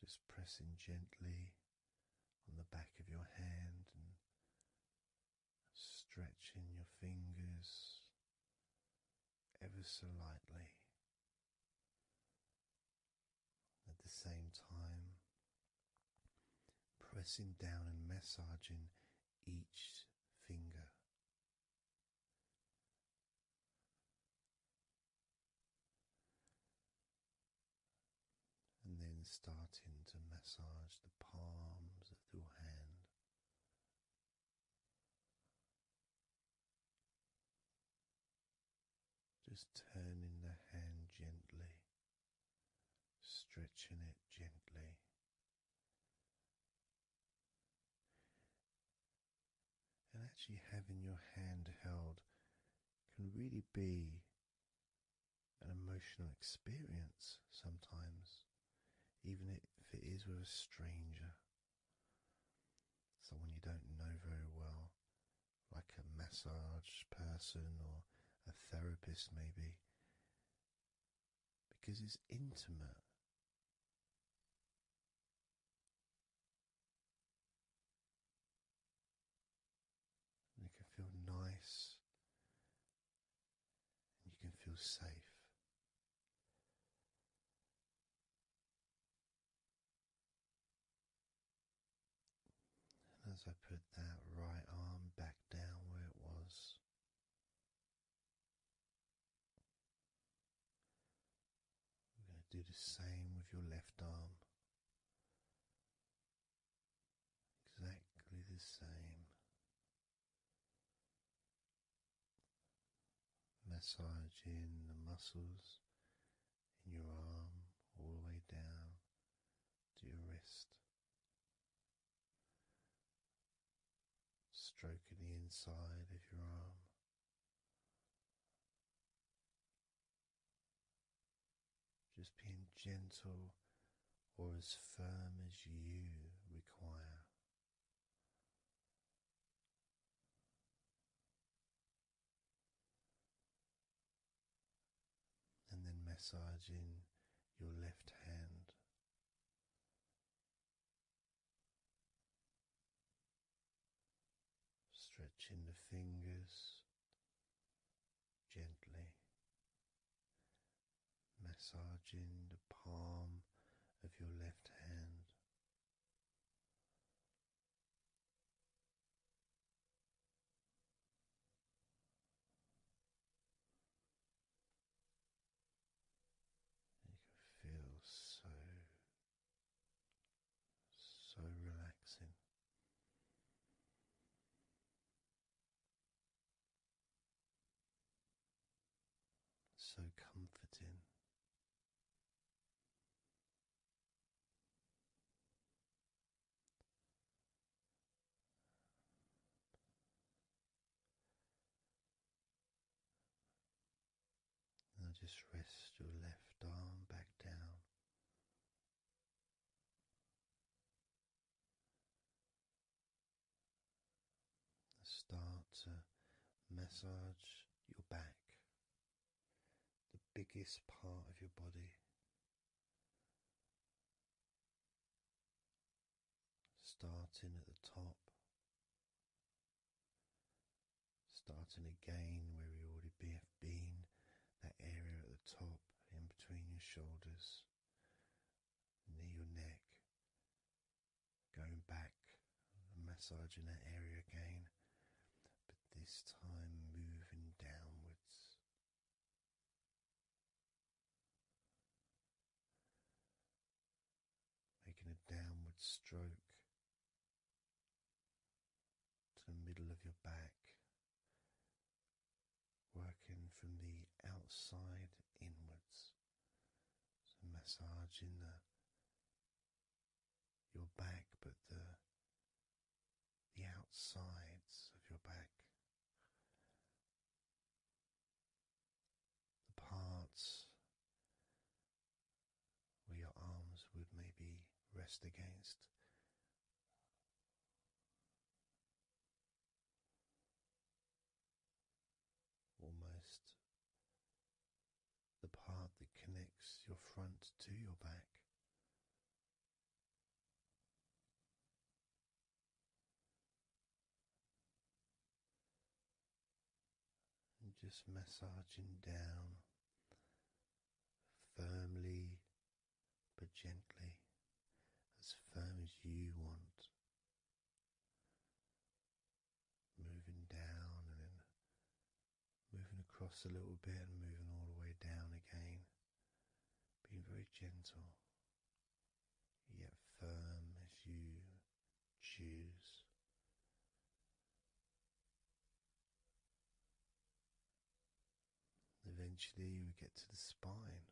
just pressing gently on the back of your hand and stretching your fingers ever so lightly. At the same time, pressing down and massaging each finger and then starting to massage the palms of your hand. Just turning the hand gently, stretching it gently. And actually, having your hand held can really be an emotional experience sometimes, even if it is with a stranger, someone you don't know very well, like a massage person or a therapist, maybe, because it's intimate. And it can feel nice and you can feel safe. And as I put that right arm back down where it was, we're going to do the same with your left arm exactly the same. Massaging the muscles in your arm all the way down to your wrist, stroking the inside of your arm, just being gentle or as firm as you require. And then massaging your left hand. Stretching the fingers, gently massaging the palm of your left hand. You can feel so, so relaxing. So comforting. Now just rest your left arm back down Start to massage your back, the biggest part of your body. Starting at the top, starting again where we already be have been that area at the top, in between your shoulders, near your neck, going back massaging that area again, but this time moving downwards. Making a downward stroke to the middle of your back, working from the outside inwards, so massaging the your back, but the the outsides of your back, the parts where your arms would maybe rest against Almost the part that connects your front to your back. And just massaging down firmly but gently, as firm as you want. Moving down and then moving across a little bit and moving all the way down again. Being very gentle, yet firm as you choose. Eventually, we get to the spine.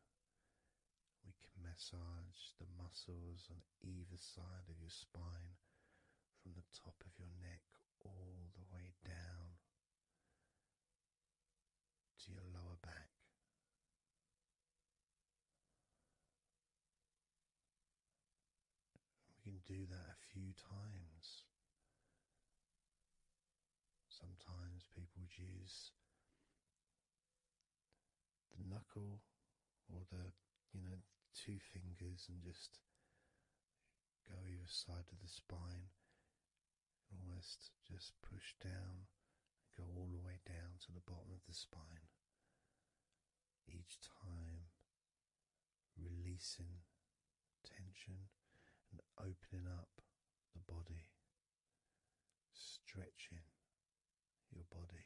We can massage the muscles on either side of your spine from the top of your neck all the way down to your lower back. We can do that a few times Sometimes people would use the knuckle or the you know two fingers and just go either side of the spine and almost just push down and go all the way down to the bottom of the spine each time releasing tension and opening up the body stretching your body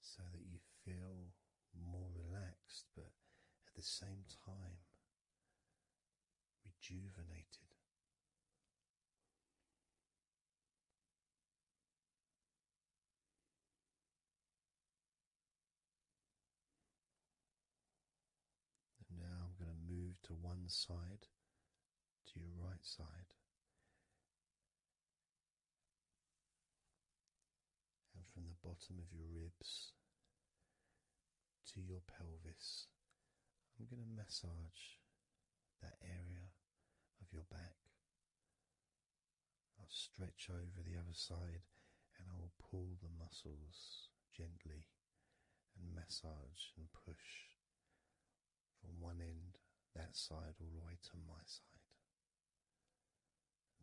so that you feel more relaxed but at the same time rejuvenated now I'm going to move to one side, to your right side. And from the bottom of your ribs to your pelvis, I'm going to massage that area of your back. I'll stretch over the other side and I will pull the muscles gently and massage and push from one end, that side, all the way to my side,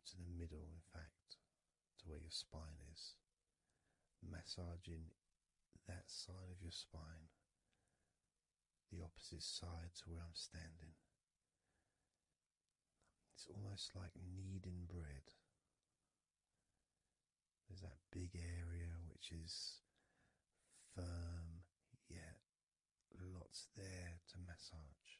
to the middle, in fact, to where your spine is. Massaging that side of your spine, the opposite side to where I'm standing. It's almost like kneading bread. There's that big area which is firm, yet lots there to massage.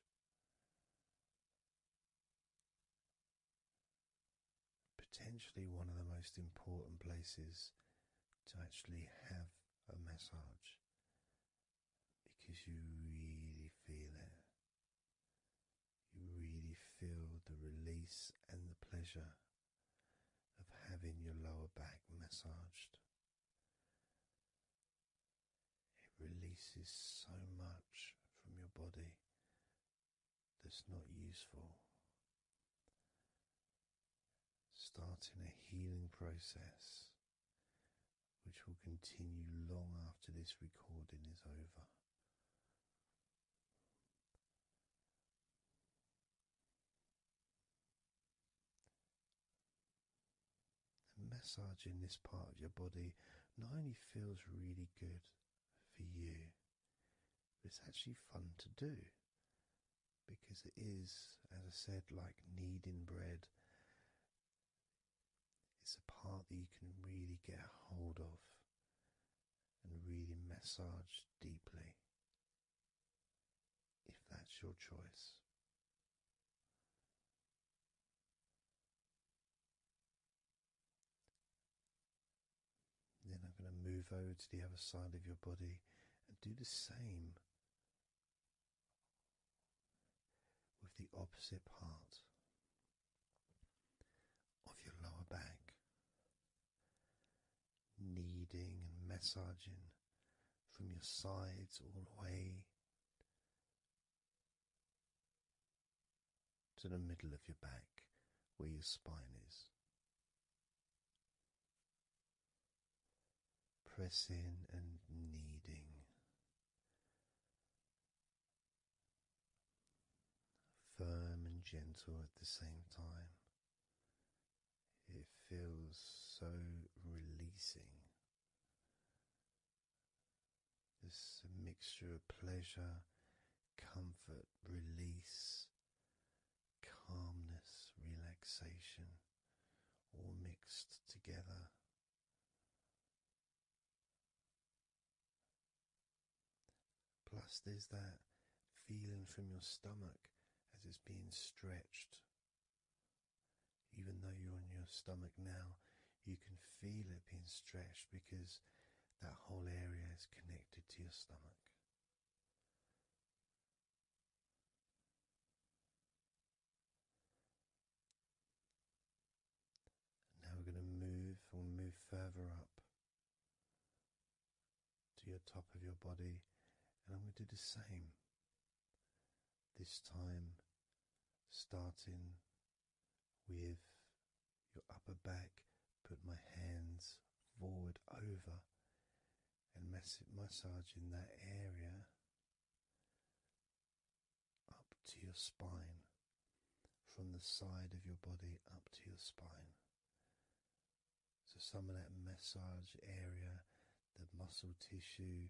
Potentially one of the most important places to actually have a massage because you really feel it you really feel the release and the pleasure of having your lower back massaged. It releases so much from your body that's not useful. Starting a healing process which will continue long after this recording is over massage in this part of your body not only feels really good for you, it's actually fun to do because it is, as I said, like kneading bread. It's a part that you can really get a hold of and really massage deeply if that's your choice. Then I'm going to move over to the other side of your body and do the same with the opposite part of your lower back kneading and massaging from your sides all the way to the middle of your back where your spine is. Pressing and kneading firm and gentle at the same time. It feels so releasing. This mixture of pleasure, comfort, release, calmness, relaxation, all mixed together. Plus, there's that feeling from your stomach as it's being stretched. Even though you're on your stomach now, you can feel it being stretched because that whole area is connected to your stomach. Now we're going to move, we'll move further up to your top of your body, and I'm going to do the same. This time, starting with your upper back, put my hands forward over and mass massaging that area up to your spine, from the side of your body up to your spine. So some of that massage area, the muscle tissue,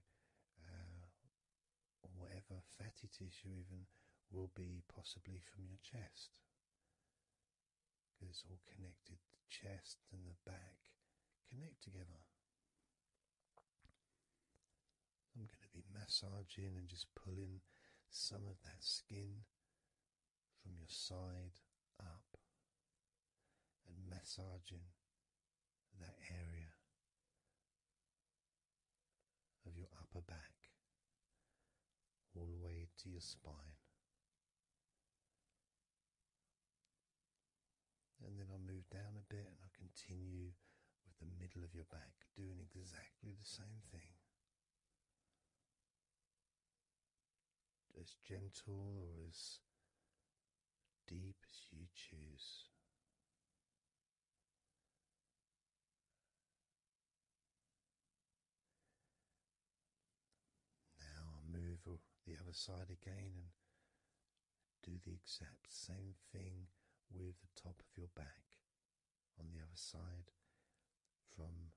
uh, or whatever fatty tissue even, will be possibly from your chest. Because it's all connected, the chest and the back connect together. I'm going to be massaging and just pulling some of that skin from your side up and massaging that area of your upper back all the way to your spine. And then I will move down a bit and I will continue with the middle of your back, doing exactly the same thing as gentle or as deep as you choose. Now I move the other side again and do the exact same thing with the top of your back on the other side from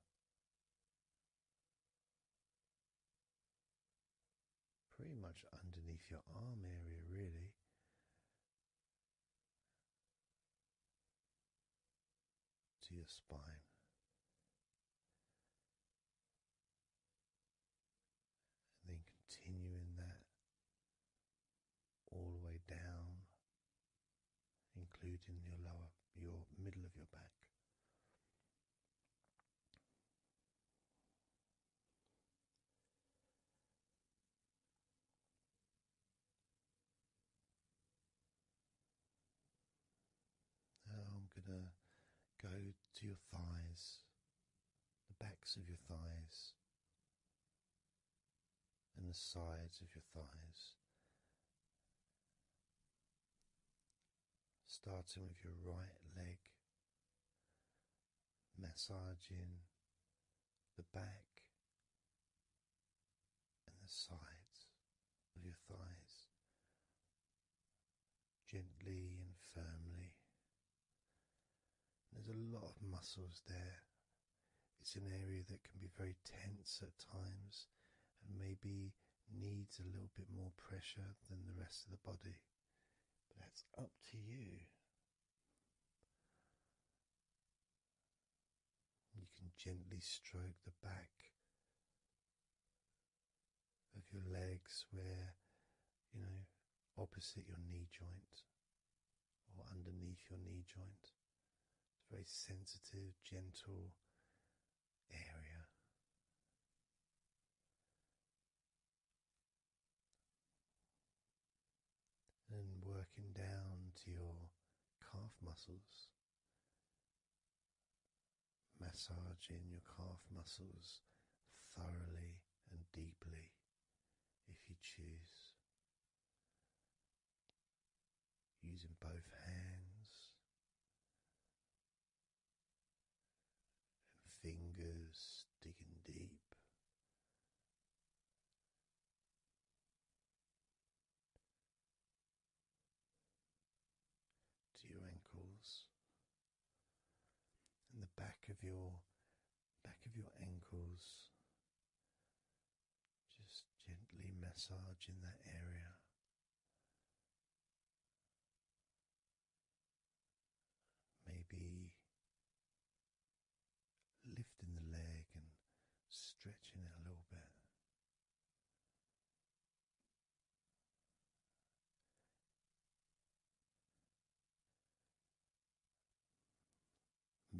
pretty much underneath your arm area, really. To your spine. And then continuing that all the way down including your lower, your middle of your back. I'm going to go to your thighs, the backs of your thighs, and the sides of your thighs. Starting with your right leg, massaging the back and the sides of your thighs gently and firmly. There's a lot of muscles there. It's an area that can be very tense at times and maybe needs a little bit more pressure than the rest of the body. But that's up to you. You can gently stroke the back of your legs where, you know, opposite your knee joint or underneath your knee joint. It's very sensitive, gentle, area. And working down to your calf muscles, massaging your calf muscles thoroughly and deeply if you choose, using both hands and fingers digging deep. To your ankles and the back of your back of your ankles, just gently massage in that area Maybe lifting the leg and stretching it a little bit.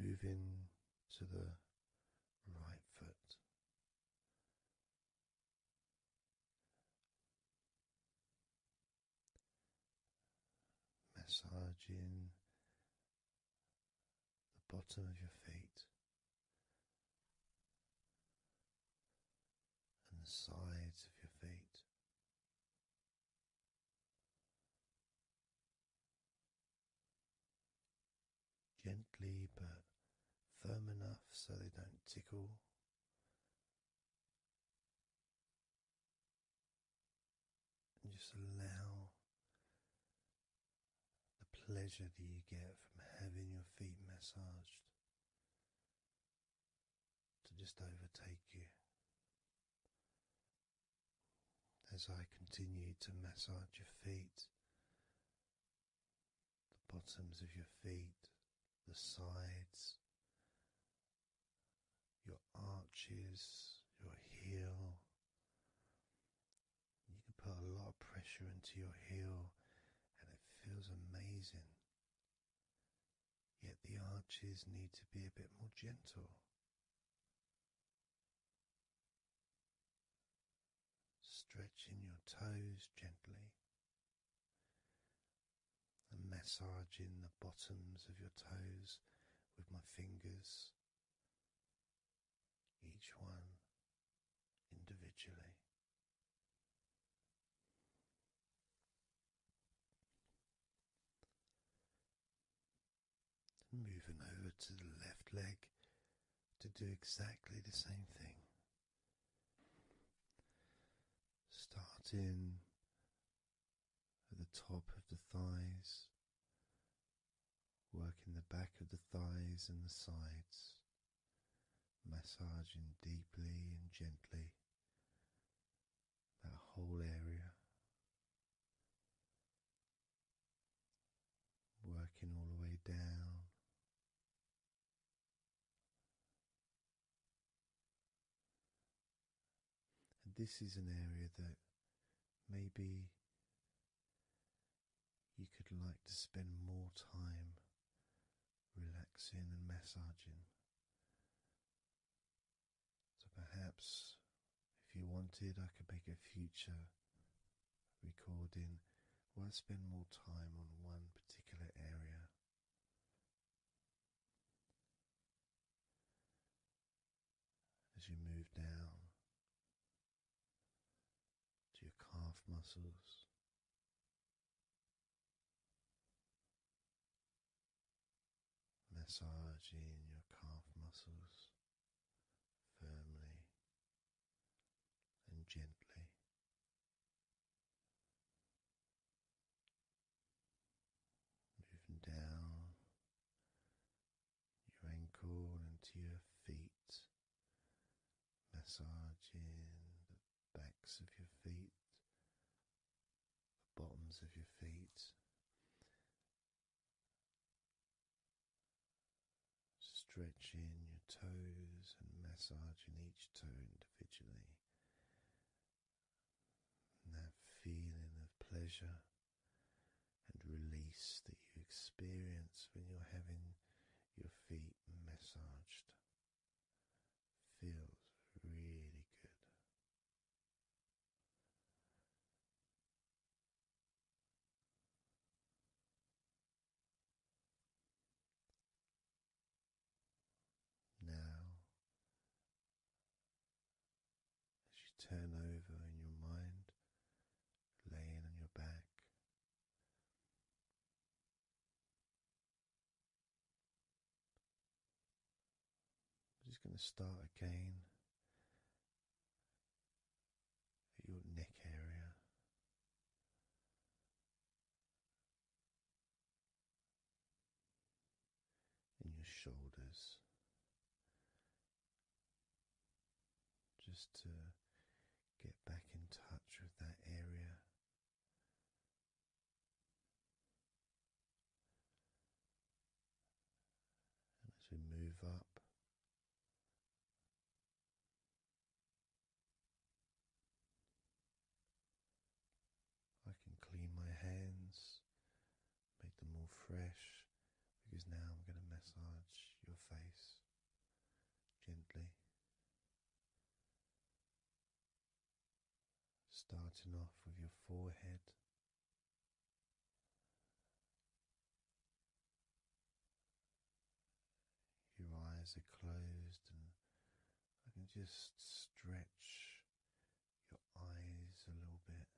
Moving to the right foot, massaging the bottom of your feet and the sides of your feet gently but firm enough so they don't tickle. And just allow the pleasure that you get from having your feet massaged to just overtake you. As I continue to massage your feet, the bottoms of your feet, the sides, your arches, your heel. You can put a lot of pressure into your heel and it feels amazing. Yet the arches need to be a bit more gentle. Stretching your toes gently, and massaging the bottoms of your toes with my fingers, each one individually. Moving over to the left leg to do exactly the same thing. Starting at the top of the thighs, working the back of the thighs and the sides, massaging deeply and gently that whole area. Working all the way down this is an area that maybe you could like to spend more time relaxing and massaging. So perhaps if you wanted, I could make a future recording where I spend more time on one particular area as you move down to your calf muscles. Massaging your calf muscles firmly and gently Moving down your ankle and to your feet, massaging the backs of your feet, the bottoms of your feet. Stretching your toes and massaging each toe individually. And that feeling of pleasure and release that you experience when you're having your feet massaged feels really good. Now, as you turn over in your mind, laying on your back, I'm just going to start again at your neck area and your shoulders just to get back in touch with that area. And as we move up I can clean my hands, make them more fresh, because now I'm going to massage your face gently. Starting off with your forehead. Your eyes are closed and I can just stretch your eyes a little bit,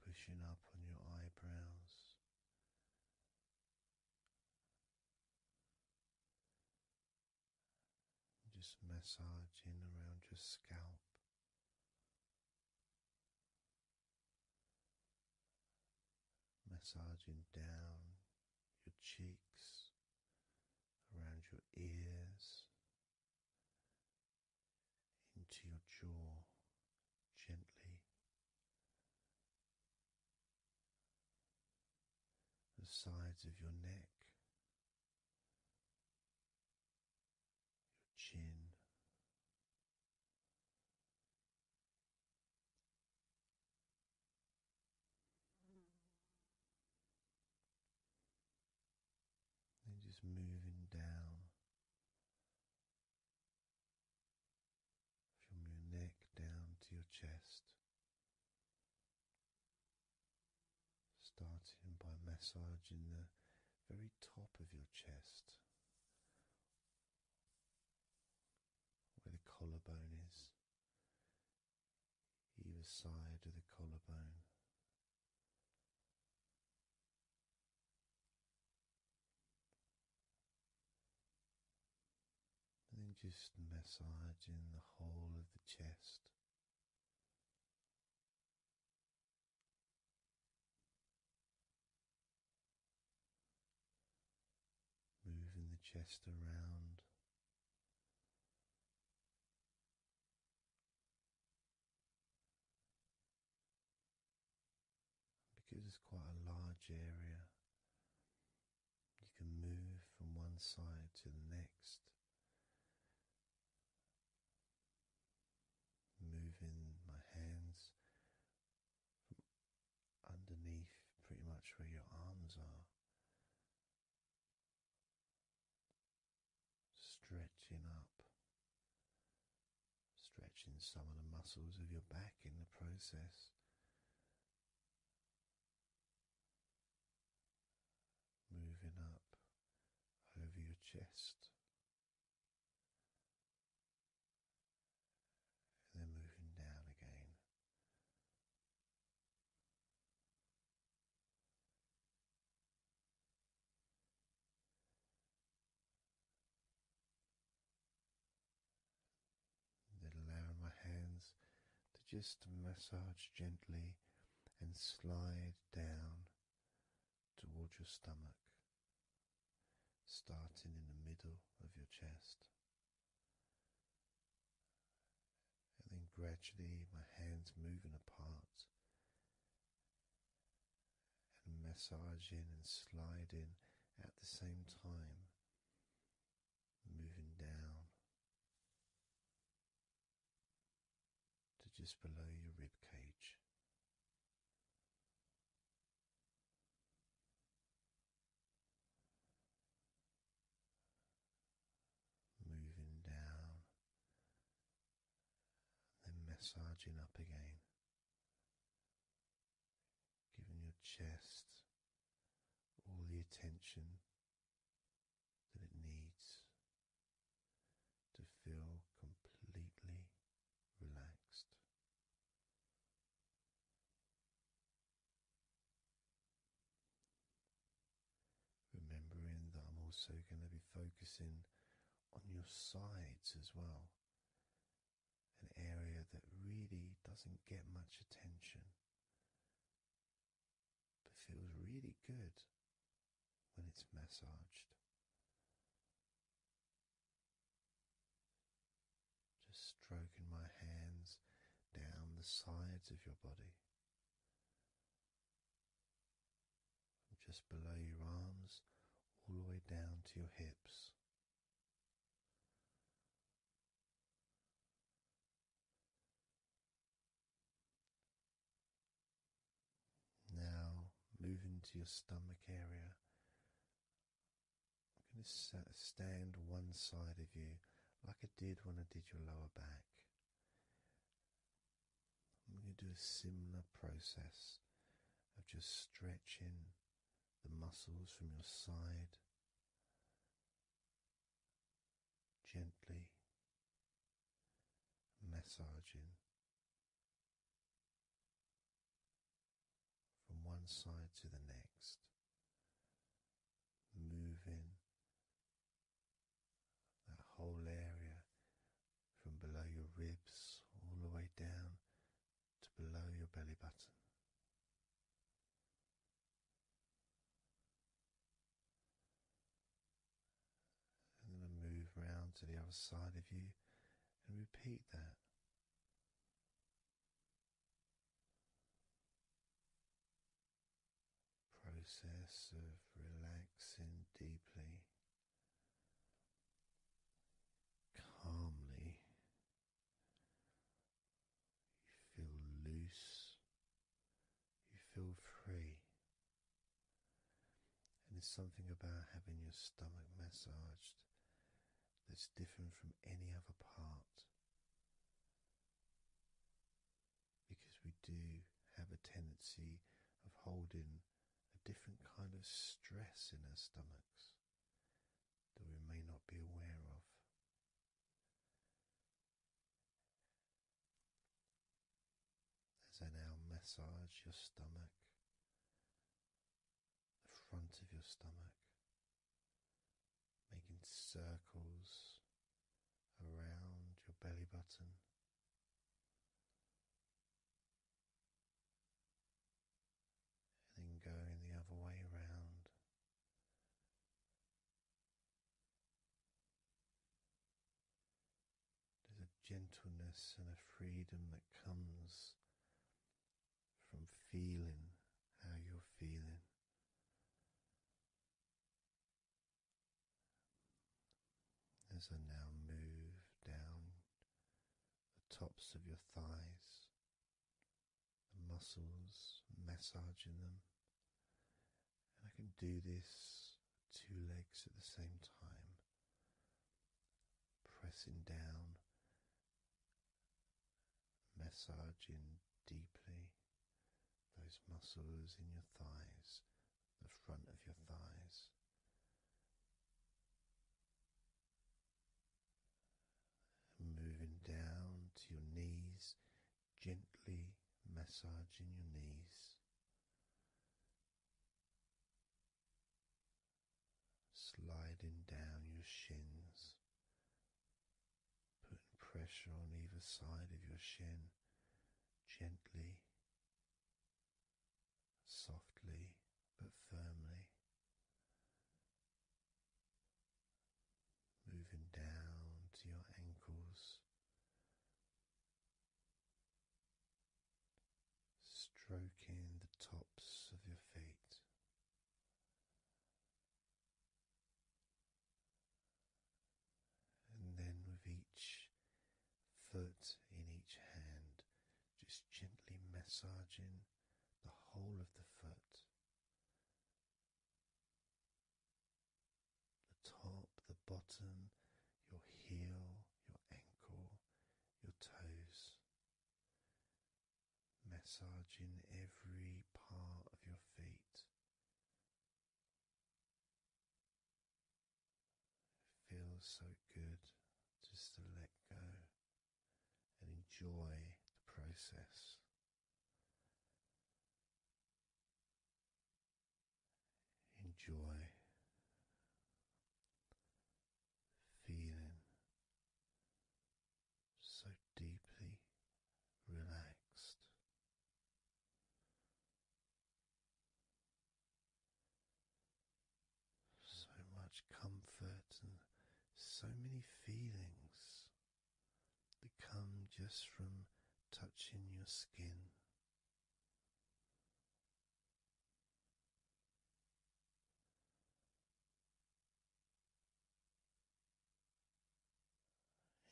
pushing up on your eyebrows. Just massaging around your scalp. Massaging down your cheeks, around your ears, into your jaw gently. The sides of your neck, your chin, and just moving down from your neck down to your chest. Starting by massaging the very top of your chest, where the collarbone is, either side of the collarbone. And then just massaging the whole of the chest. Moving the chest around because it's quite a large area, you can move from one side to the next, moving my hands from underneath pretty much where your arms are Stretching up, stretching some of the muscles of your back in the process. Moving up over your chest, and then moving down again then my hands to just massage gently and slide down towards your stomach, starting in the middle of your chest and then gradually my hands moving apart and massaging and sliding at the same time, moving down to just below your rib cage moving down, then massaging up again, giving your chest all the attention that it needs to feel completely relaxed. Remembering that I'm also going to be focusing on your sides as well, an area that really doesn't get much attention but feels really good when it's massaged. Just stroking my hands down the sides of your body just below your arms, all the way down to your hips. Now, moving to your stomach area, I'm going to stand one side of you like I did when I did your lower back. I'm going to do a similar process of just stretching the muscles from your side gently massaging from one side to the next, moving that whole area from below your ribs all the way down to below your belly button. And then move around to the other side of you and repeat that process of relaxing deeply, calmly. You feel loose, you feel free. And there's something about having your stomach massaged that's different from any other part because we do have a tendency of holding a different kind of stress in our stomachs that we may not be aware of. As I now massage your stomach, the front of your stomach, making circles around your belly button and then going the other way around. There's a gentleness and a freedom that comes from feeling how you're feeling. As I now move down the tops of your thighs, the muscles, massaging them, and I can do this two legs at the same time, pressing down, massaging deeply those muscles in your thighs the front of your thighs. Moving down to your knees, gently massaging your knees, sliding down your shins, putting pressure on either side of your shin, gently softly but firmly, moving down to your ankles, stroking the tops of your feet. And then with each foot in each hand, just gently massaging the whole of the foot, the top, the bottom, your heel, your ankle, your toes, massaging every part of your feet. It feels so good just to let go and enjoy the process. Enjoy feeling so deeply relaxed. So much comfort and so many feelings that come just from touching your skin.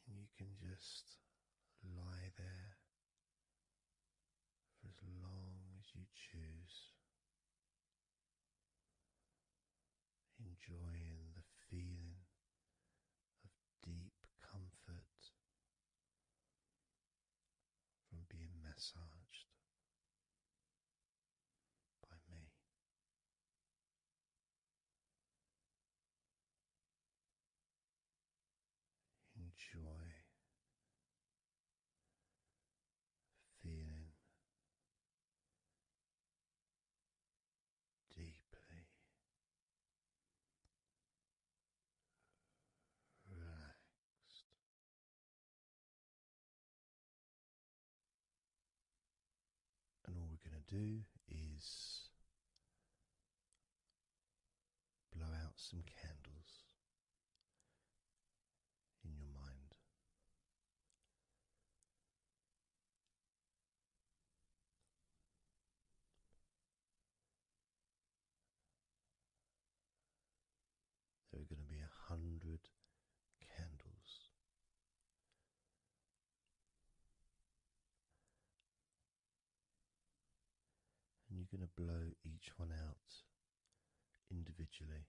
And you can just lie there for as long as you choose, enjoying the feeling of deep comfort from being massaged by me enjoy feeling deeply relaxed. And all we're going to do is Blow out some candles in your mind. There are going to be a hundred candles and you're going to blow each one out individually,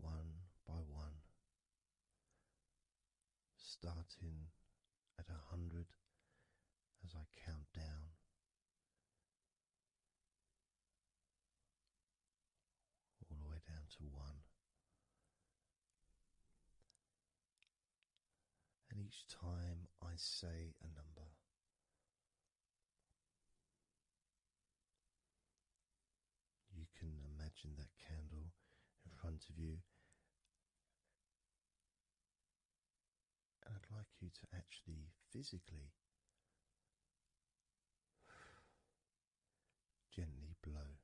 one by one, starting at a hundred as I count down. All the way down to one, and each time I say a number, you can imagine that candle in front of you. I'd like you to actually physically gently blow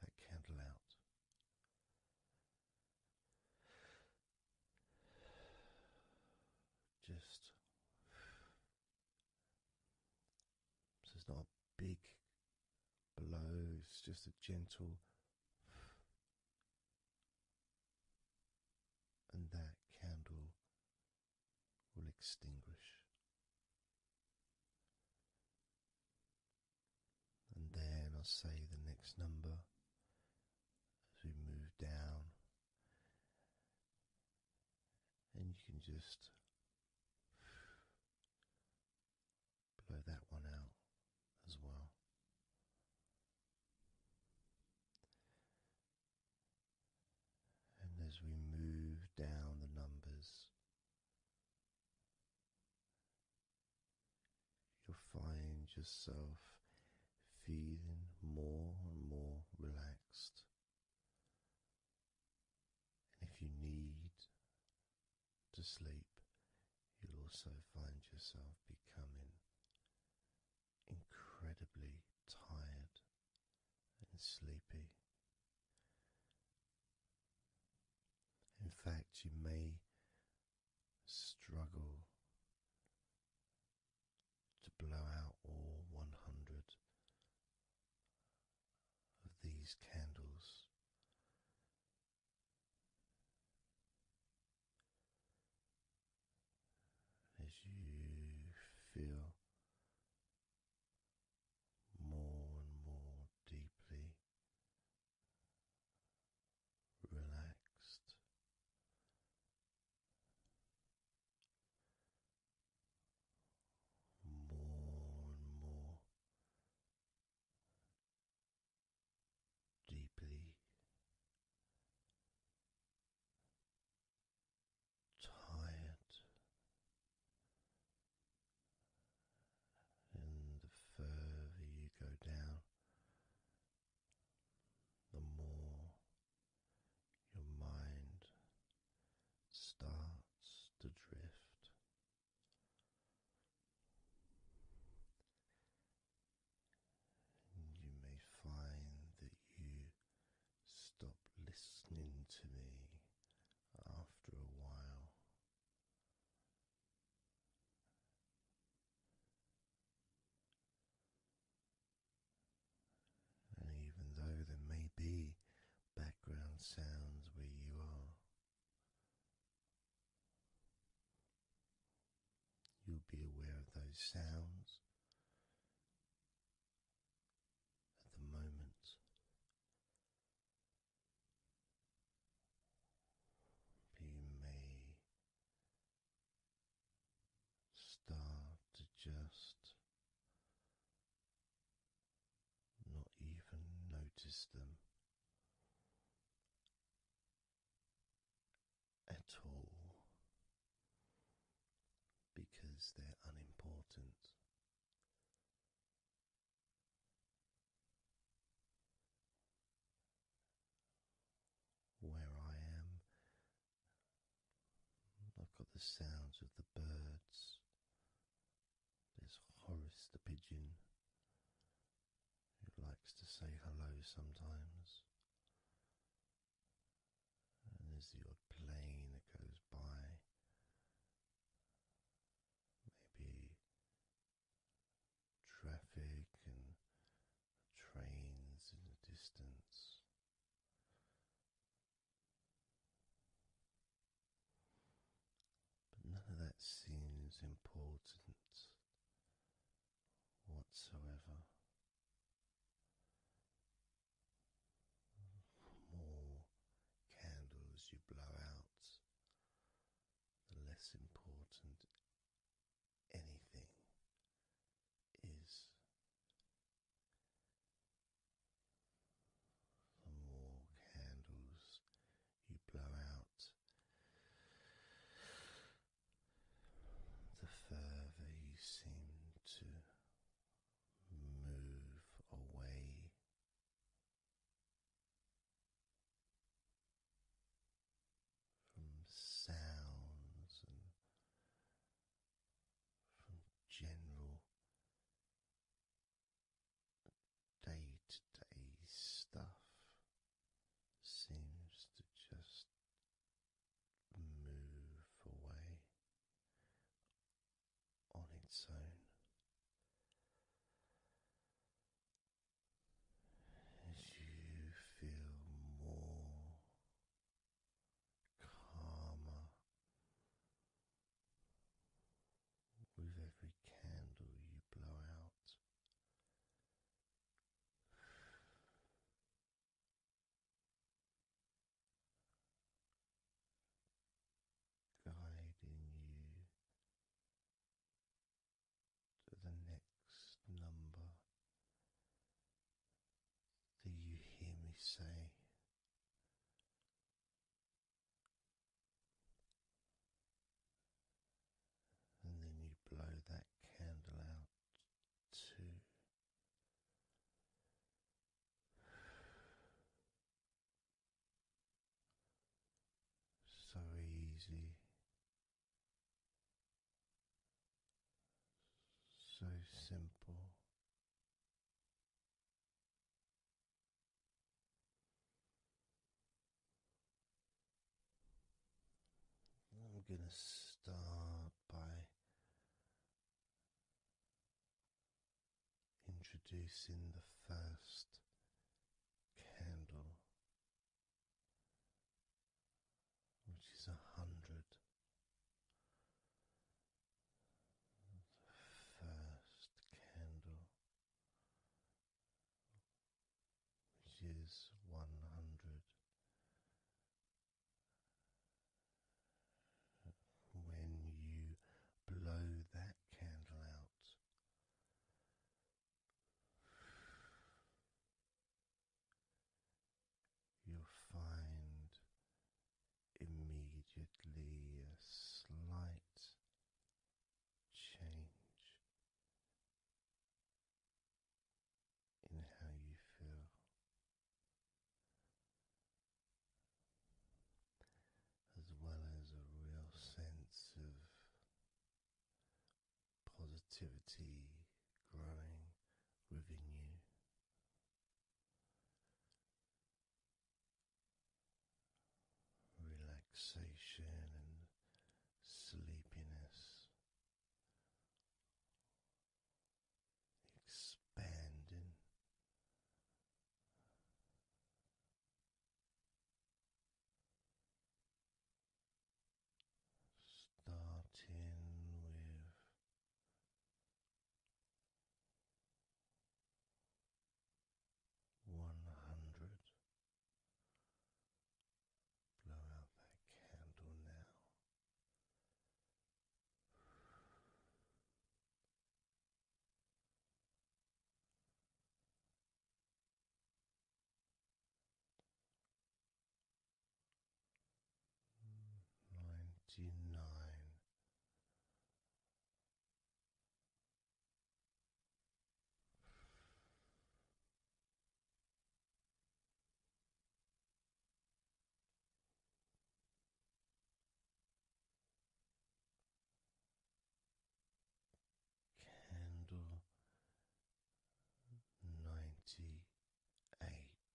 that candle out. Just so it's not a big blow, it's just a gentle. And that candle will extinguish and then I'll say the next number as we move down, and you can just blow that one out as well. And as we move down the numbers, You'll find yourself feeling more and more relaxed. And if you need to sleep, you'll also find yourself becoming incredibly tired and sleepy. In fact, you may struggle to blow out all 100 of these candles. As you feel more and more deeply relaxed. More and more deeply tired and the further you go down the more your mind starts to drift. You may find that you stop listening to me after a while, and even though there may be background sounds where you are, you'll be aware of those sounds at the moment. But you Start to just not even notice them at all because they're unimportant where I am. I've got the sounds of the birds. There's Horace the pigeon who likes to say hello sometimes. And there's the odd plane that goes by. Maybe traffic and trains in the distance. But none of that seems important whatsoever. more candles you blow out, the less important anything is. The more candles you blow out, the further you seem to move away from sounds and from general day to day stuff seems to just move away on its own as you feel more calmer with every candle you blow out. Guiding you to the next number that you hear me say. And then you blow that candle out too. So easy so simple. I'm going to start by introducing the first candle which is a hundred. first candle, which is one hundred. When you blow that candle out, you'll find immediately a slight change in how you feel. As well as a real sense of positivity growing within you. Relaxation and sleepiness expanding starting with one hundred. Blow out that candle now ninety nine. Candle ninety eight. Candle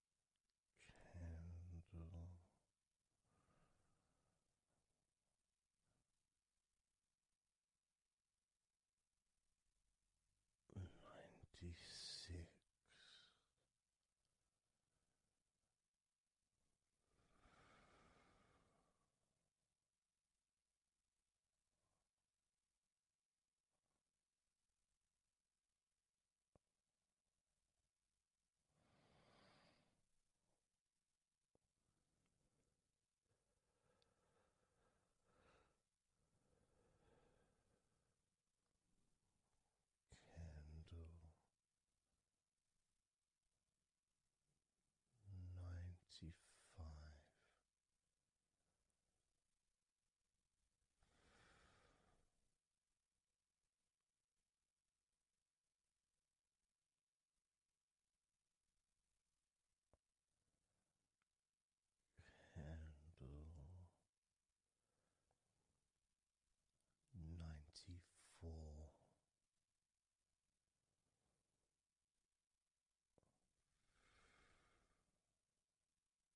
candle. Ninety six, Candle ninety five. Candle ninety four.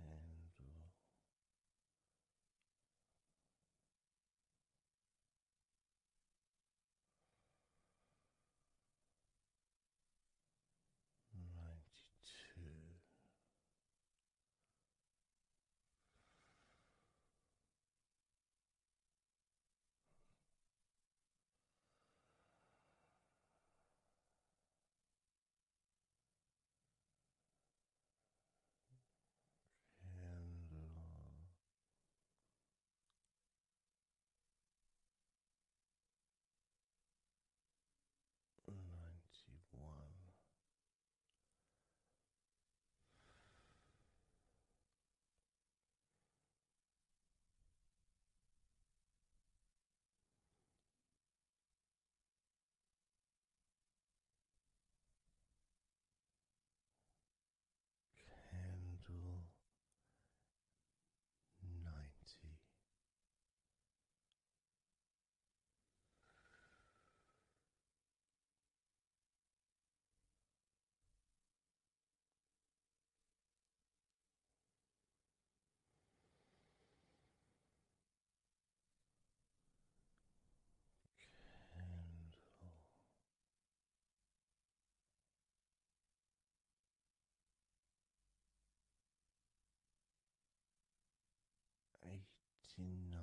Candle ninety two. Candle ninety one. Candle ninety. Candle eighty nine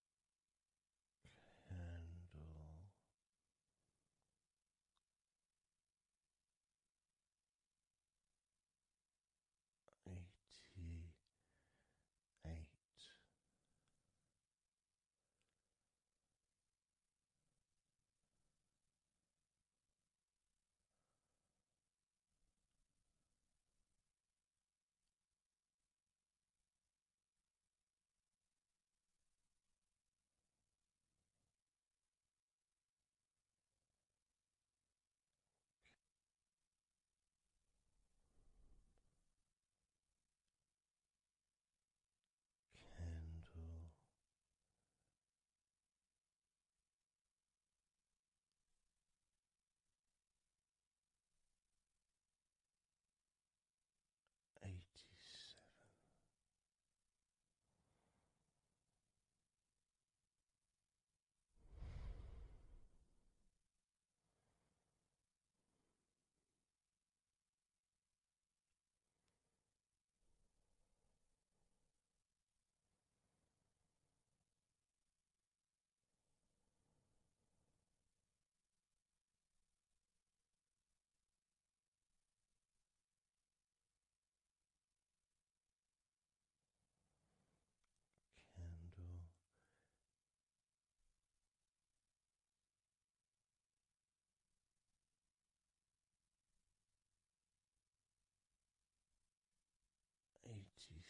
candle. Eighty eight. Candle eighty seven candle. Eighty six.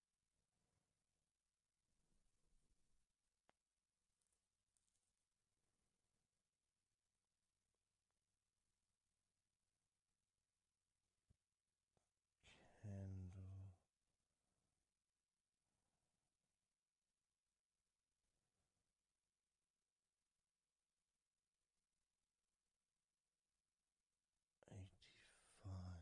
Candle eighty five.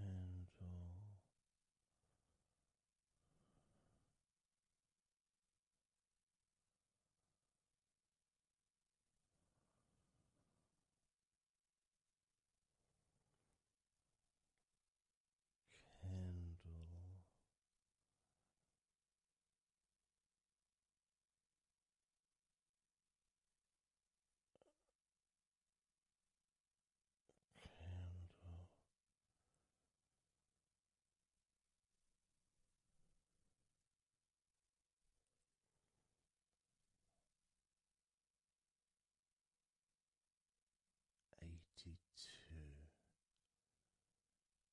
candle. Candle Candle. Eighty two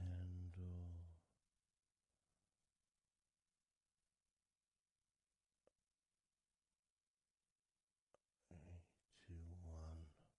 handle eighty one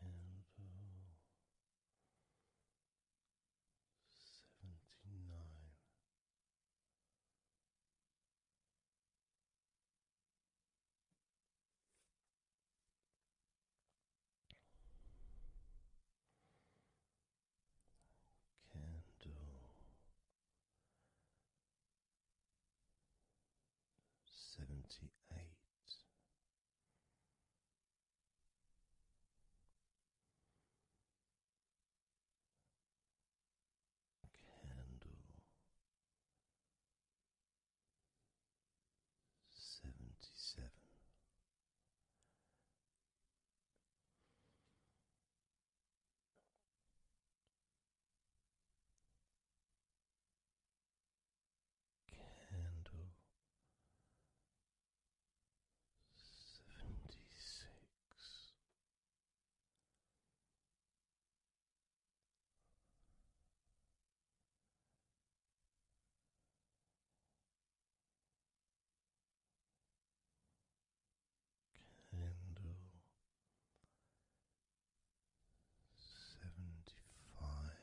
Candle seventy nine. Candle seventy eight. Candle seventy seven. Candle seventy six, Candle seventy five.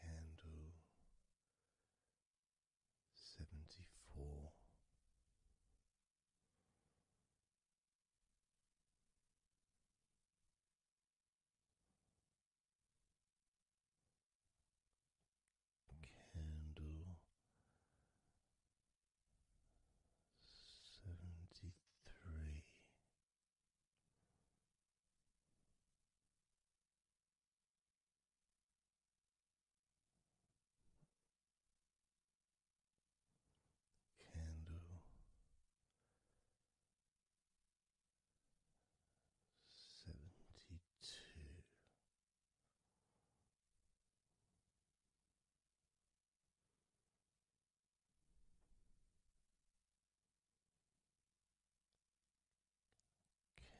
Candle seventy four candle seventy three. Candle seventy two.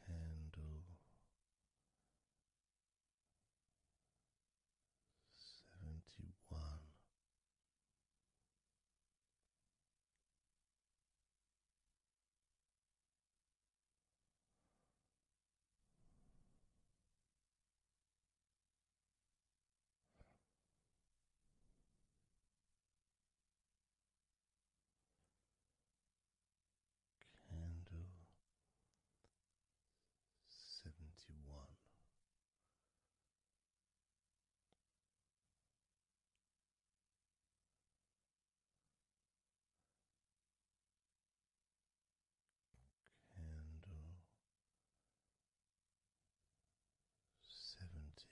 Candle seventy one. Candle seventy one candle seventy.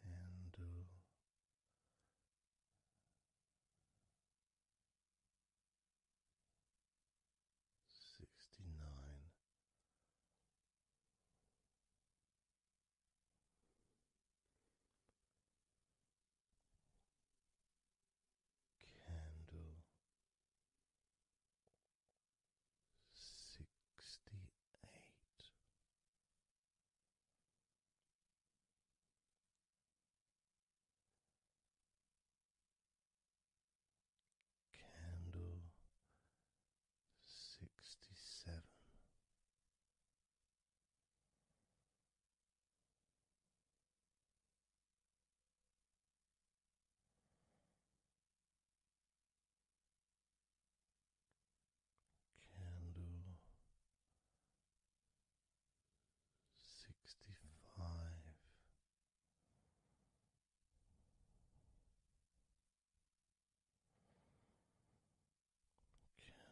Candle sixty nine. Candle sixty eight, Candle sixty seven. Candle sixty five.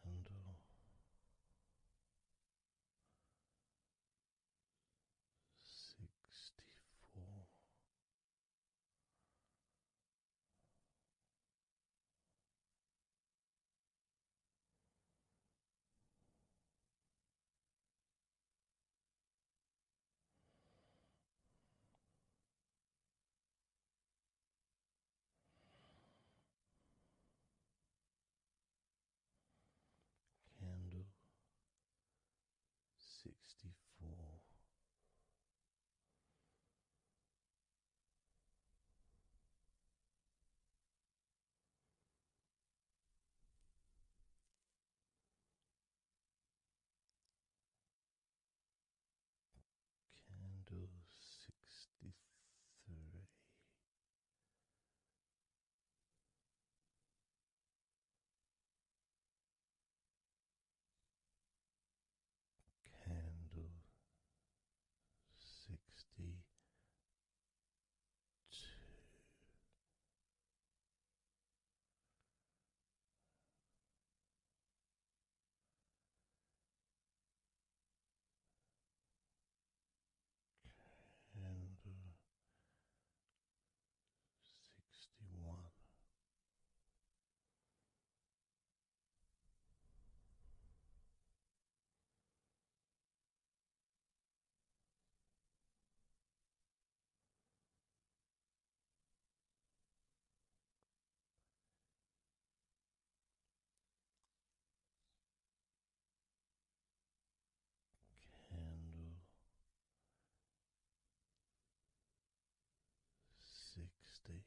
Candle sixty four, Candle sixty four. Candle sixty three. Candle sixty candle sixty one. Candle sixty.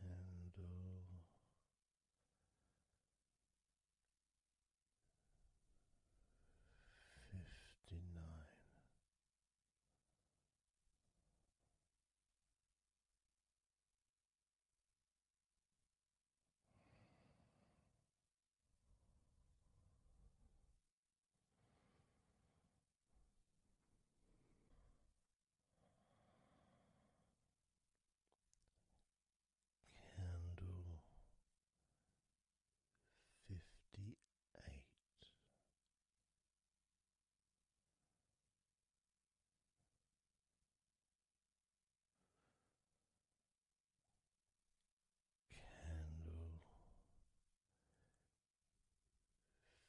Candle uh, fifty nine. Candle fifty eight.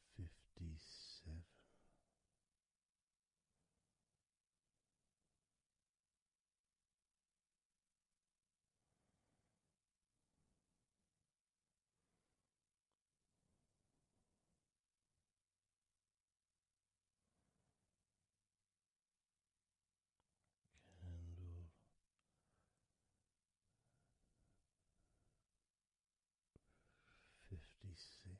Candle fifty seven, Candle fifty six.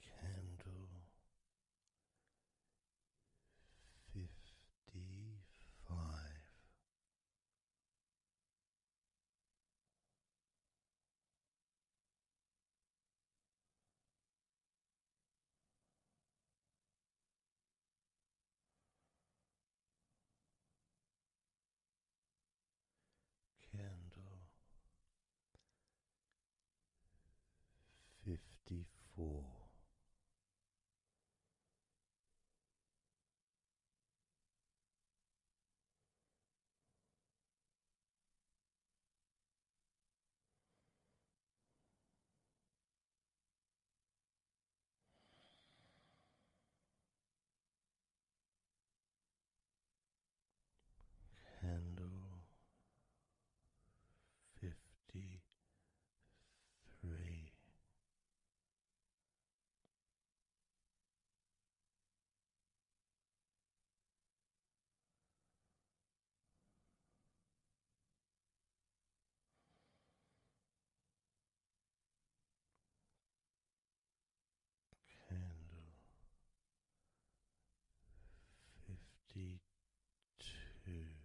candle fifty five. Candle fifty four. Candle fifty three. Candle fifty two. Candle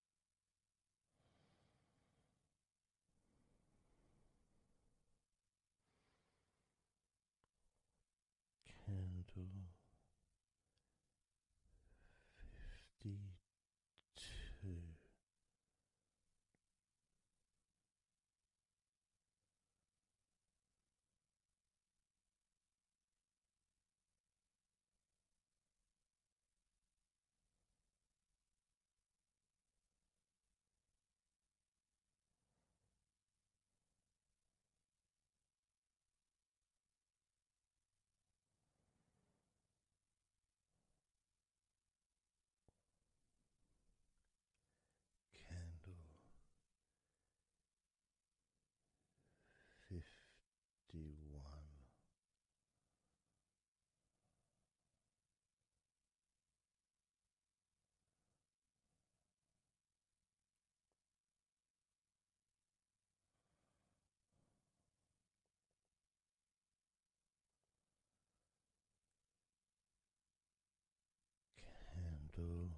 Candle fifty two. Candle fifty one. Candle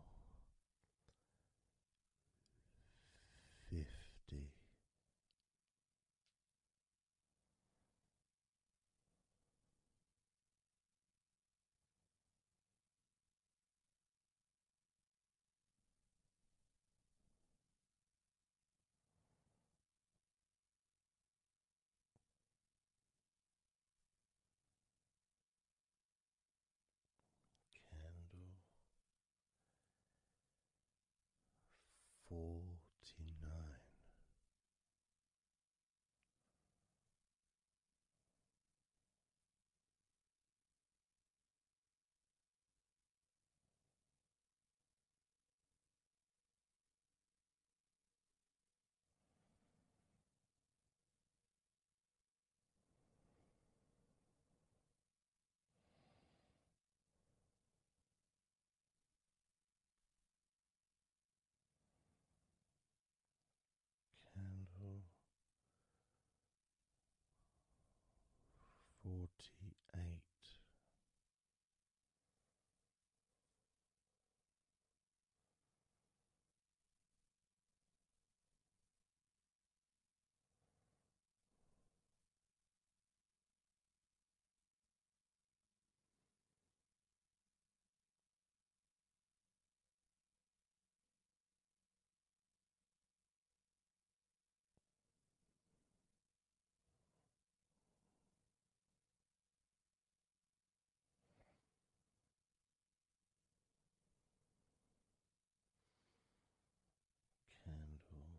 fifty Candle forty nine. Candle forty eight. Candle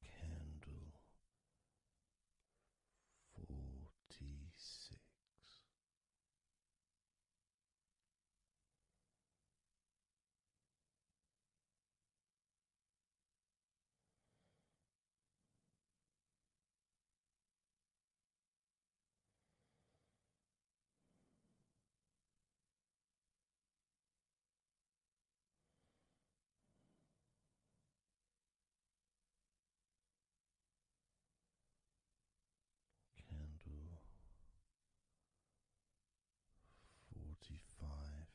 Candle forty six. Candle forty five.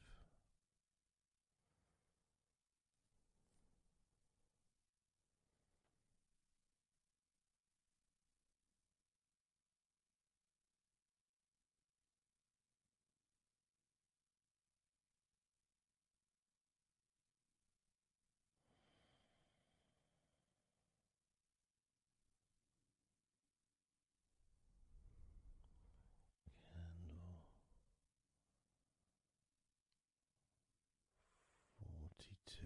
Candle forty two.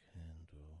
Candle forty one.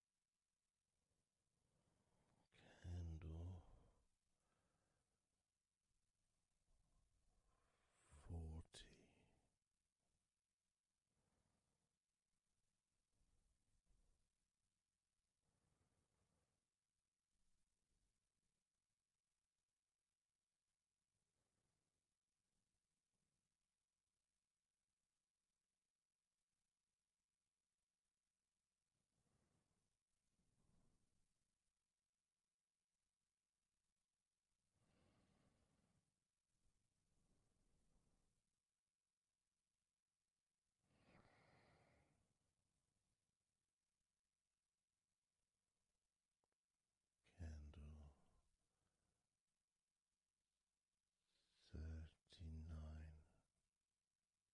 candle forty. Candle thirty nine.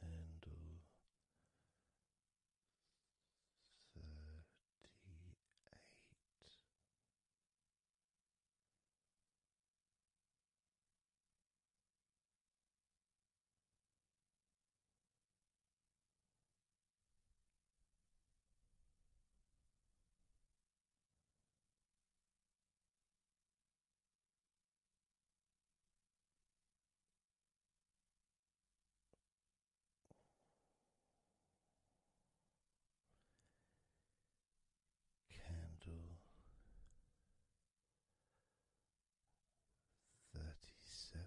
Candle thirty eight. Candle thirty seven.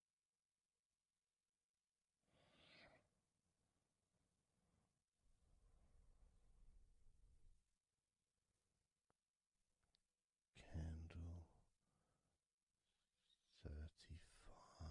Candle thirty five.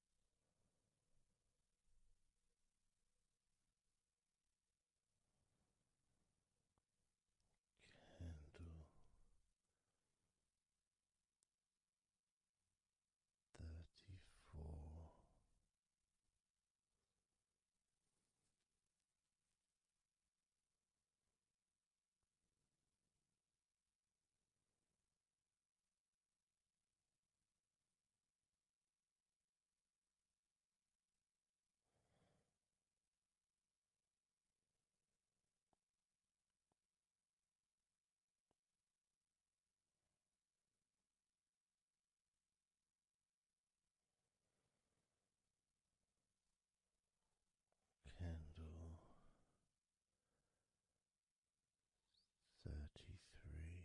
Candle thirty four. Candle thirty three.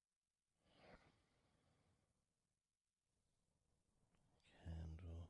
Candle thirty one.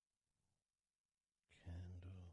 candle thirty.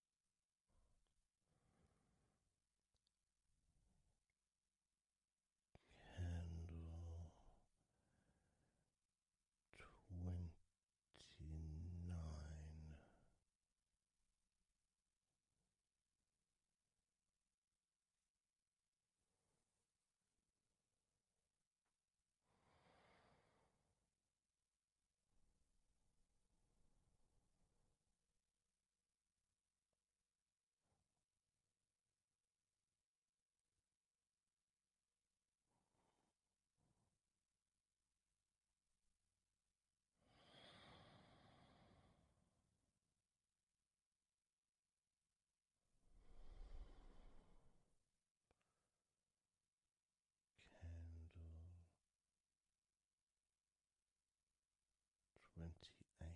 Candle twenty nine. Candle twenty eight,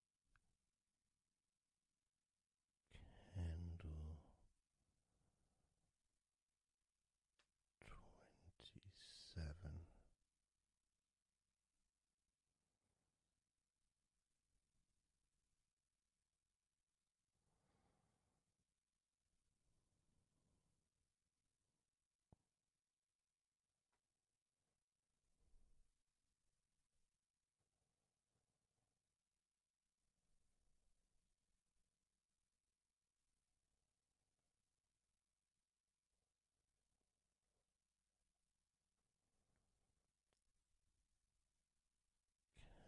candle twenty seven.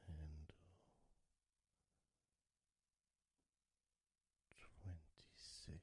Candle twenty six.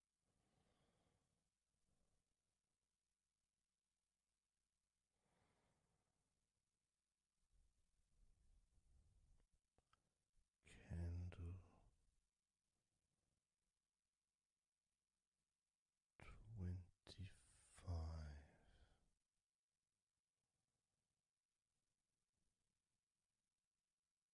Candle twenty five.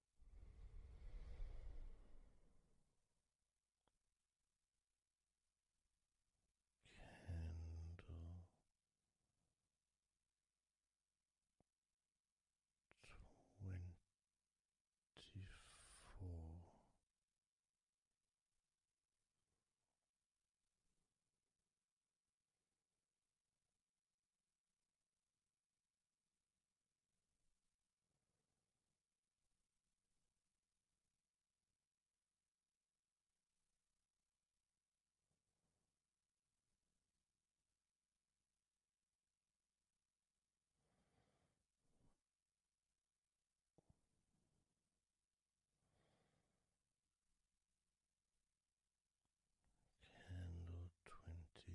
Candle twenty four. Candle twenty three.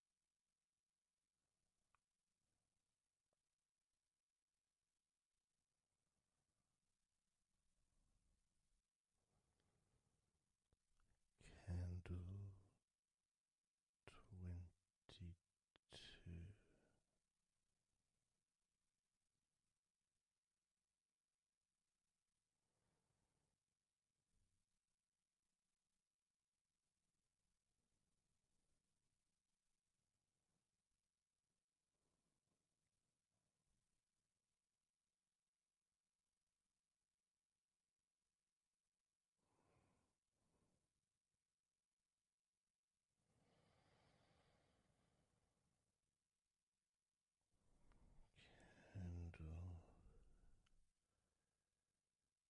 Candle twenty two. Candle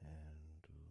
Candle twenty.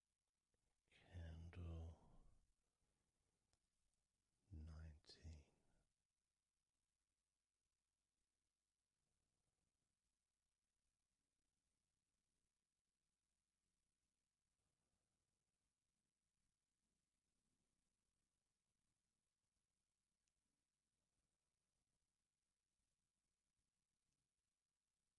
Candle nineteen.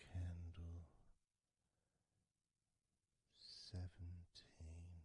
Candle seventeen,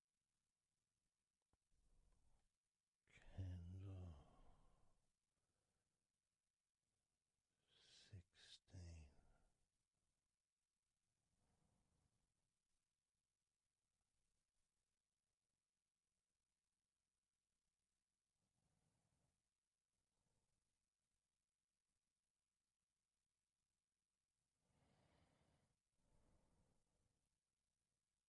candle sixteen.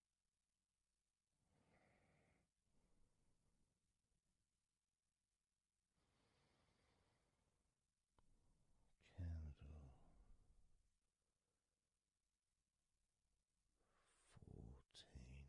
Candle fourteen.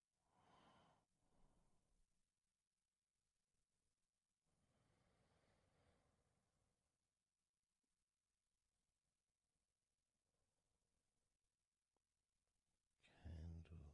Candle twelve.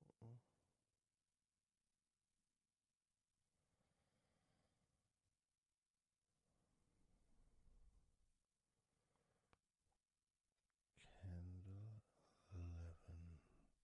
Candle eleven.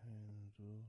Candle ten.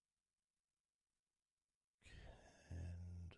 Candle nine.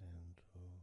Candle eight.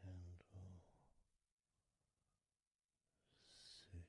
candle six.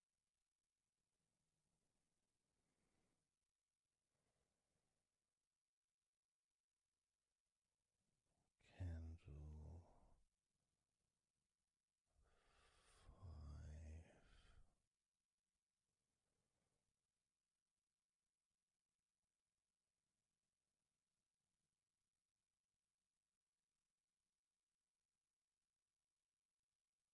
Candle five.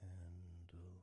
Candle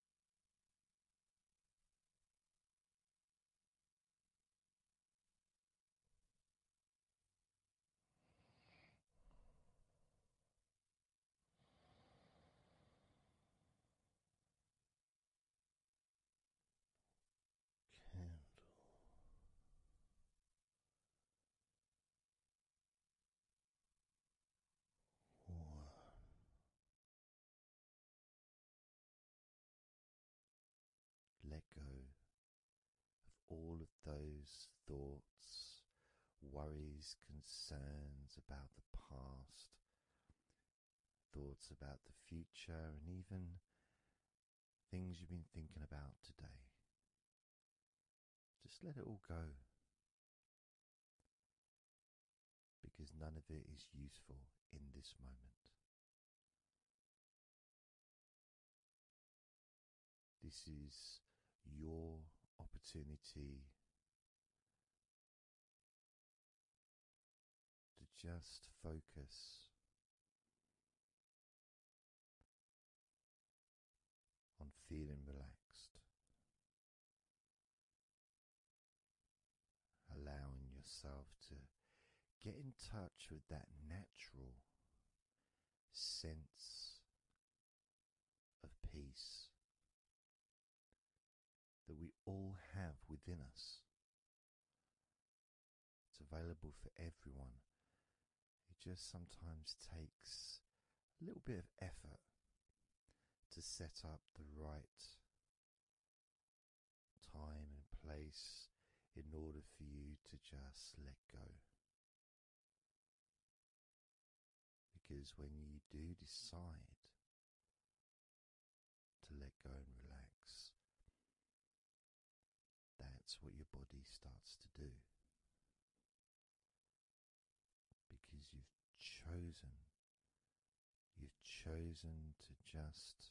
Candle. One. Let go of all of those thoughts, worries, concerns about the past, thoughts about the future, and even things you've been thinking about today. Just let it all go because none of it is useful in this moment. This is your opportunity to just focus on feeling relaxed allowing yourself to get in touch with that natural sense of peace that we all have within us. It's available for everyone. It just sometimes takes a little bit of effort to set up the right time and place in order for you to just let go. Because when you do decide to let go and relax, that's what your body starts to do. Because you've chosen You've chosen to just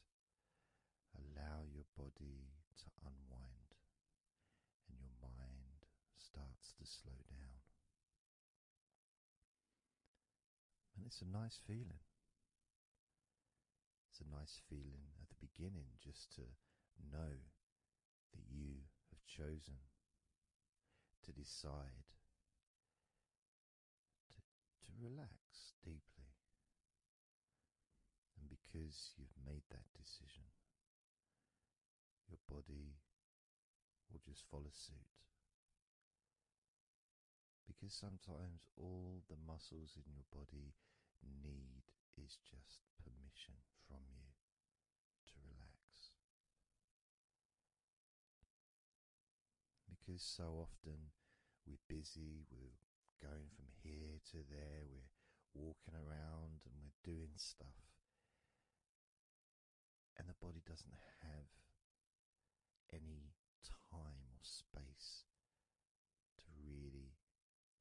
allow your body to unwind, and your mind starts to slow down. And it's a nice feeling. It's a nice feeling at the beginning just to know that you have chosen to decide to relax deeply. And because you've made that decision, your body will just follow suit. Because sometimes all the muscles in your body need is just permission from you to relax. Because so often we're busy, we're going from here to there, we're walking around and we're doing stuff, and the body doesn't have any time or space to really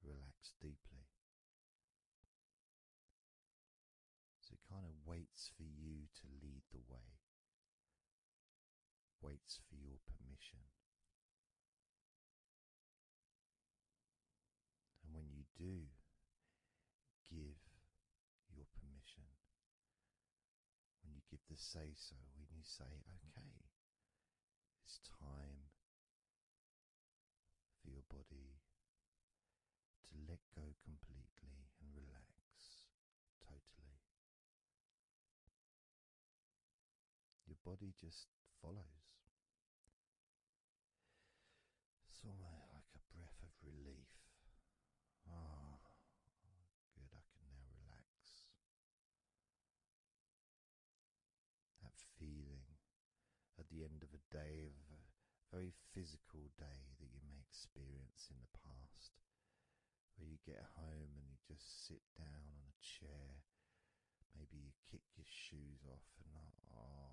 relax deeply. So it kind of waits for you to lead the way waits for your permission. And when you do give your permission, when you give the say so, when you say, okay, it's time for your body to let go completely and relax totally. Your body just follows. It's almost like a breath of relief. Ah, good, I can now relax. That feeling at the end of a day, of a very physical day that you may experience in the past, where you get home and you just sit sit down on a chair. Maybe you kick your shoes off, and oh,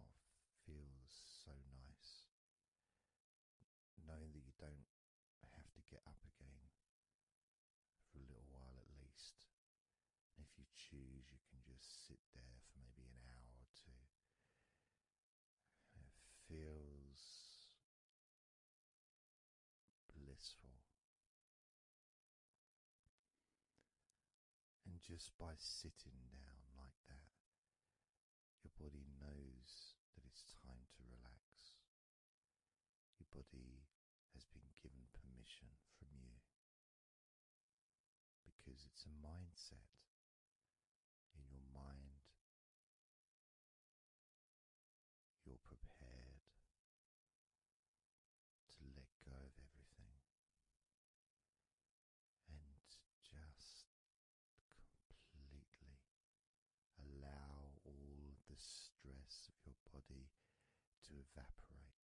feels so nice. Knowing that you don't have to get up again for a little while at least. And if you choose, you can just sit there for maybe an hour or two. And it feels blissful. And just by sitting down like that, your body knows that it's time to relax. Your body has been given permission from you because it's a mindset. In your mind, you're prepared to let go of everything and just completely allow all the stress of your body to evaporate.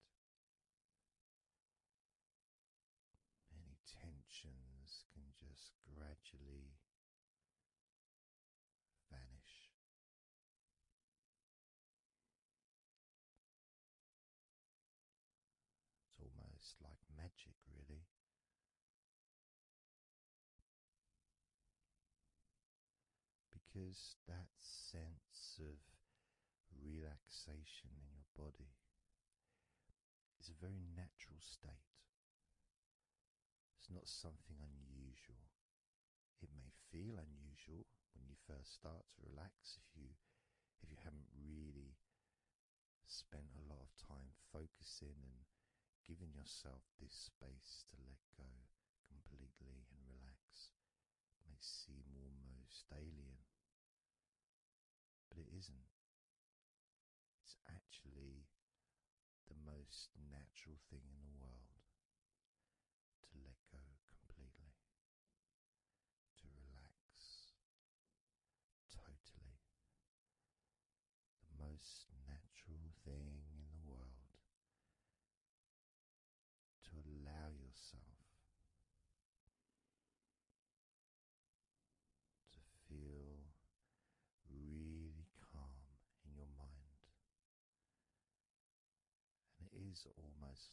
Any tensions can just gradually vanish. It's almost like magic, really. Because that sense of relaxation in your body is a very natural state. It's not something unusual. It may feel unusual when you first start to relax if you if you haven't really spent a lot of time focusing and giving yourself this space to let go completely and relax. It may seem almost alien, but it isn't. It's actually the most natural thing in the world to let go completely, to relax totally. The most natural thing in the world to allow yourself to feel really calm in your mind and it is almost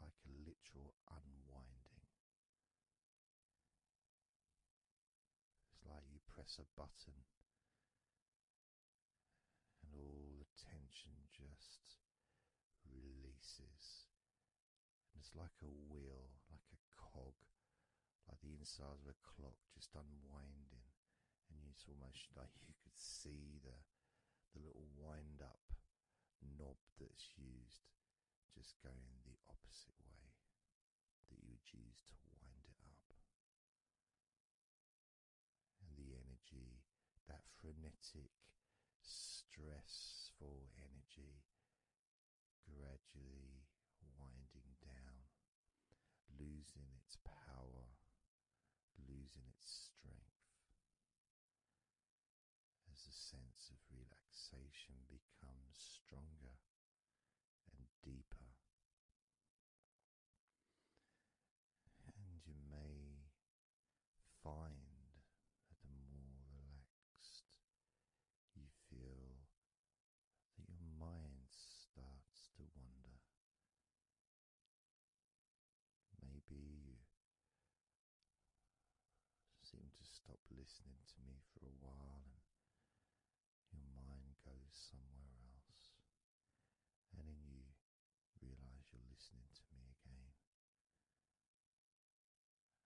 like a literal unwinding. It's like you press a button, and all the tension just releases. And it's like a wheel, like a cog, like the inside of a clock just unwinding and it's almost like you could see the the little wind up knob that's used just going the opposite way that you would use to wind it up. And the energy, that frenetic, stressful energy, gradually winding down, losing its power losing its strength as the sense of relaxation becomes stronger and deeper. And you may find that the more relaxed you feel, that your mind starts to wander Maybe you seem to stop listening to me for a while and your mind goes somewhere else, and then you realize you're listening to me again.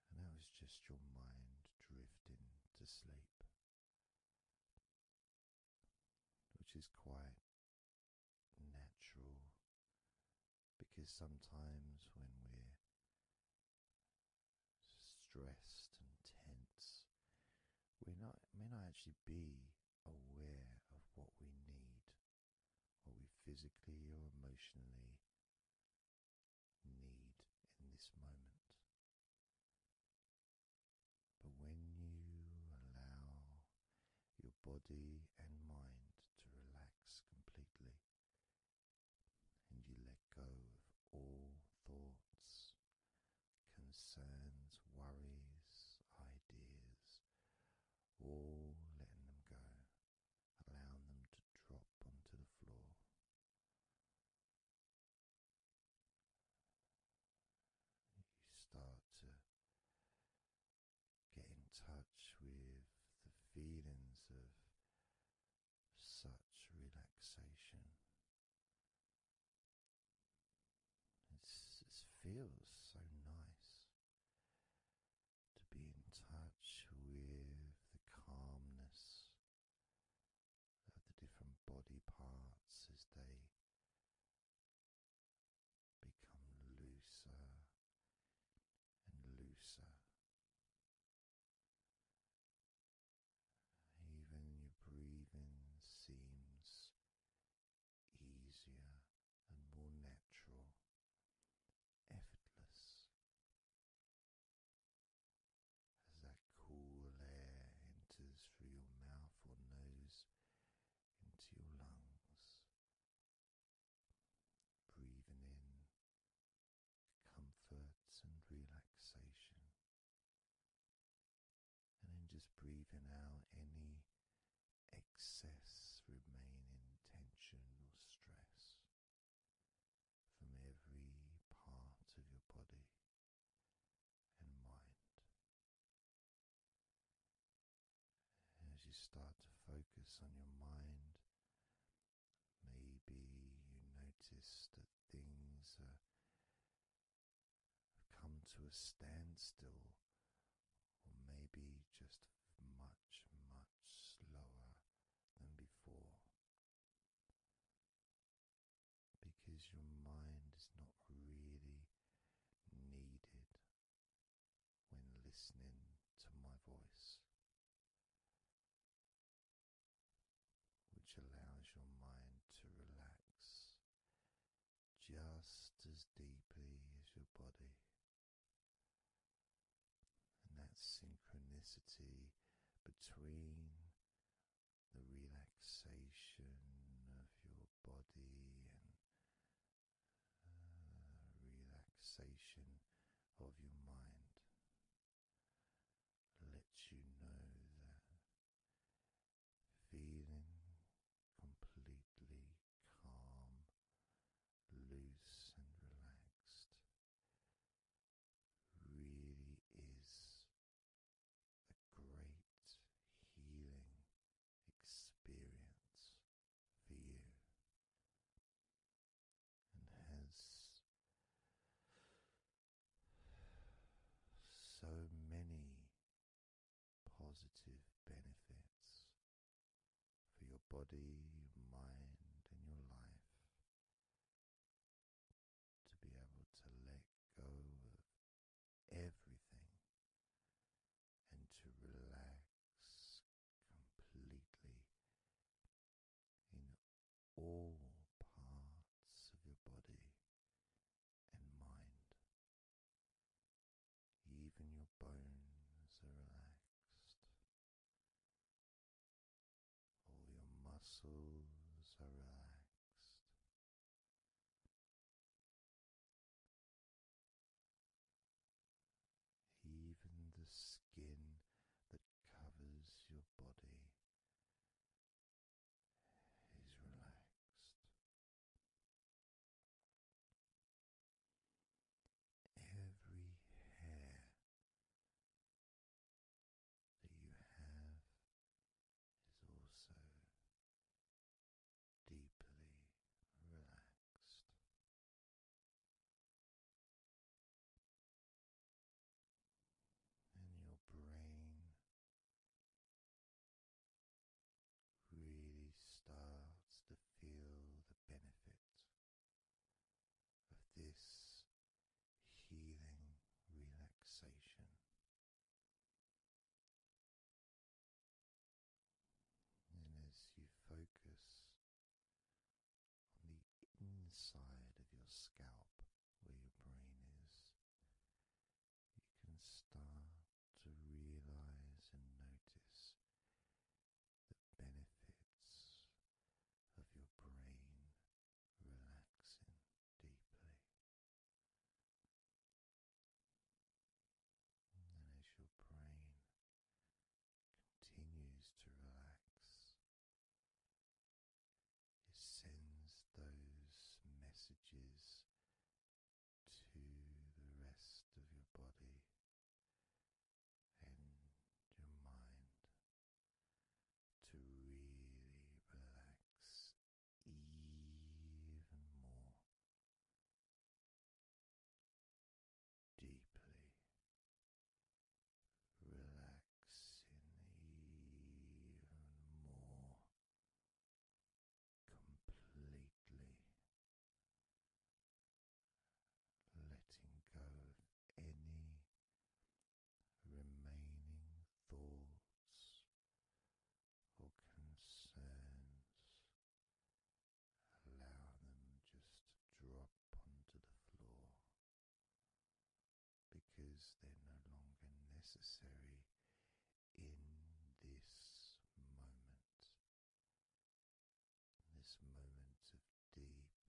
And that was just your mind drifting to sleep, which is quite natural because sometimes when we're stressed and tense, we not may not actually be aware of what we need, what we physically or emotionally need in this moment. But when you allow your body and mind to relax completely, and you let go of all thoughts, concerns, worries, ideas, all letting them go, allowing them to drop onto the floor. You start to get in touch with the feelings of such relaxation. it feels so nice to be in touch with the calmness of the different body parts as they become looser and looser. Even your breathing seems easier and more natural, effortless. As that cool air enters through your mouth or nose into your lungs, breathing in comfort and relaxation, and then just breathing out any excess remaining tension or stress from every part of your body and mind as you start to focus on your mind, maybe you notice that things are, have come to a standstill, or maybe just much, much slower than before. Because your mind is not really needed when listening to my voice, which allows your mind to relax just as deeply as your body. And that synchronicity between the relaxation of your body and uh, relaxation of your mind lets you know that feeling completely calm, loose, and relaxed really is a great healing experience for you and has so many positive benefits for your body, your mind, and your life to be able to let go of everything and to relax completely in all parts of your body and mind. Even your bones are relaxed. All your muscles are relaxed. Even the skin that covers your body is relaxed. Every hair that you have is also deeply relaxed. And your brain really starts to feel the benefit of this healing relaxation and as you focus on the inside of your scalp where your brain is, you can start to realize and notice the benefits of your brain relaxing deeply. And as your brain continues to relax, it sends those messages to the rest of your body and your mind to really relax even more deeply relaxing even more completely. Letting go of any remaining thoughts or concerns Allow them just to drop onto the floor because they're no longer necessary in this moment. This moment of deep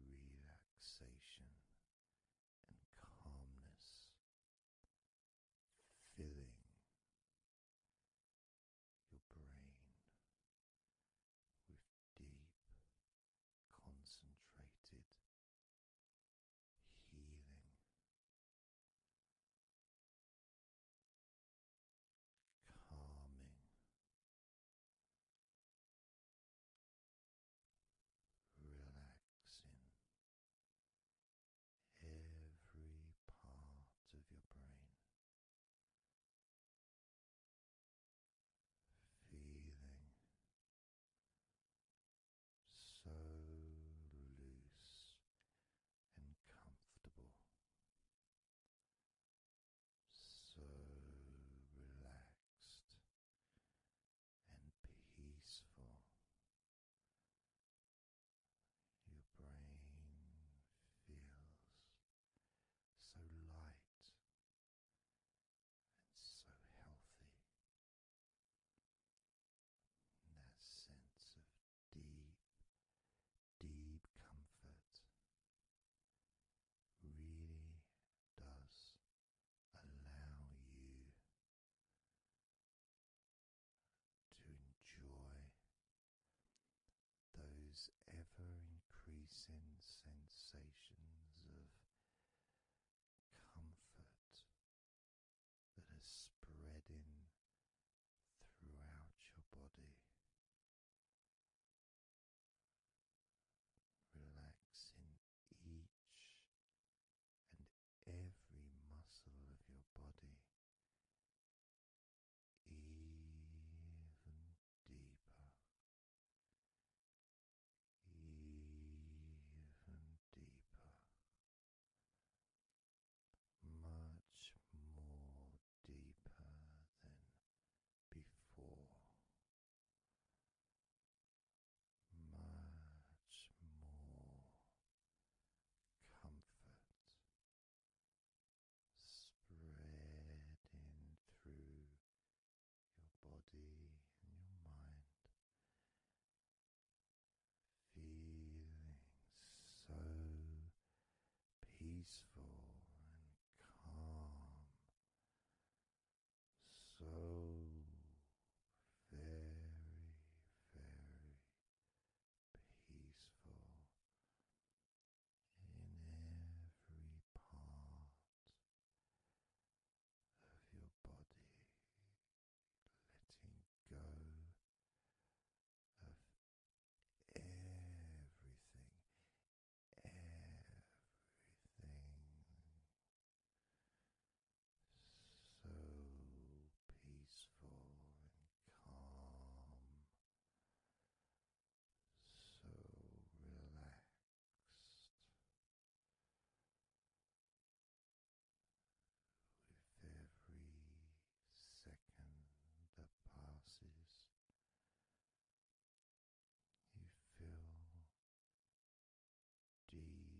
relaxation and calmness, filling your brain with deep, concentrated healing. Calming, relaxing every part of your brain, Feeling so loose and comfortable, so relaxed and peaceful. Your brain feels so light and so healthy. that sense of deep, deep comfort really does allow you to enjoy those ever increasing sensations of comfort that are spreading throughout your body. Relaxing each and every muscle of your body even deeper, even deeper, much more deeper than before. Much more comfort spreading through your body and your mind, feeling so peaceful and calm, so very, very peaceful in every part of your body, letting go of everything, everything so peaceful and calm so relaxed. With every second that passes, you feel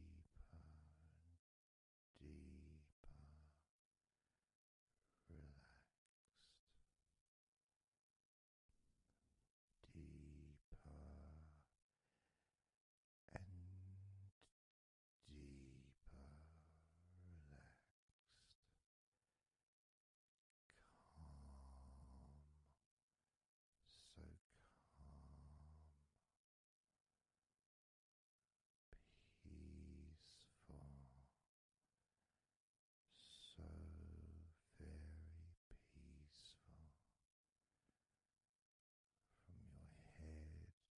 deeper and deeper deeper and deeper relaxed. Calm, so calm, peaceful, so very peaceful from your head down to your toes. Such peace and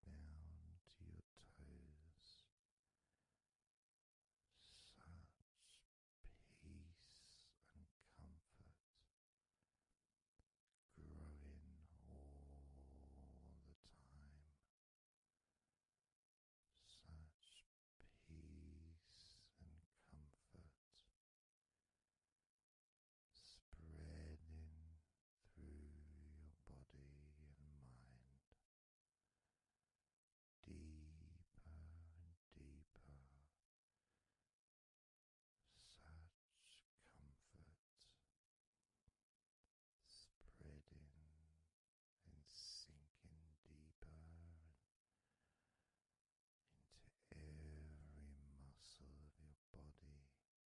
comfort growing all the time such peace and comfort spreading through your body and mind. Deeper and deeper, such comfort spreading and sinking deeper into every muscle of your body so that you feel amazing,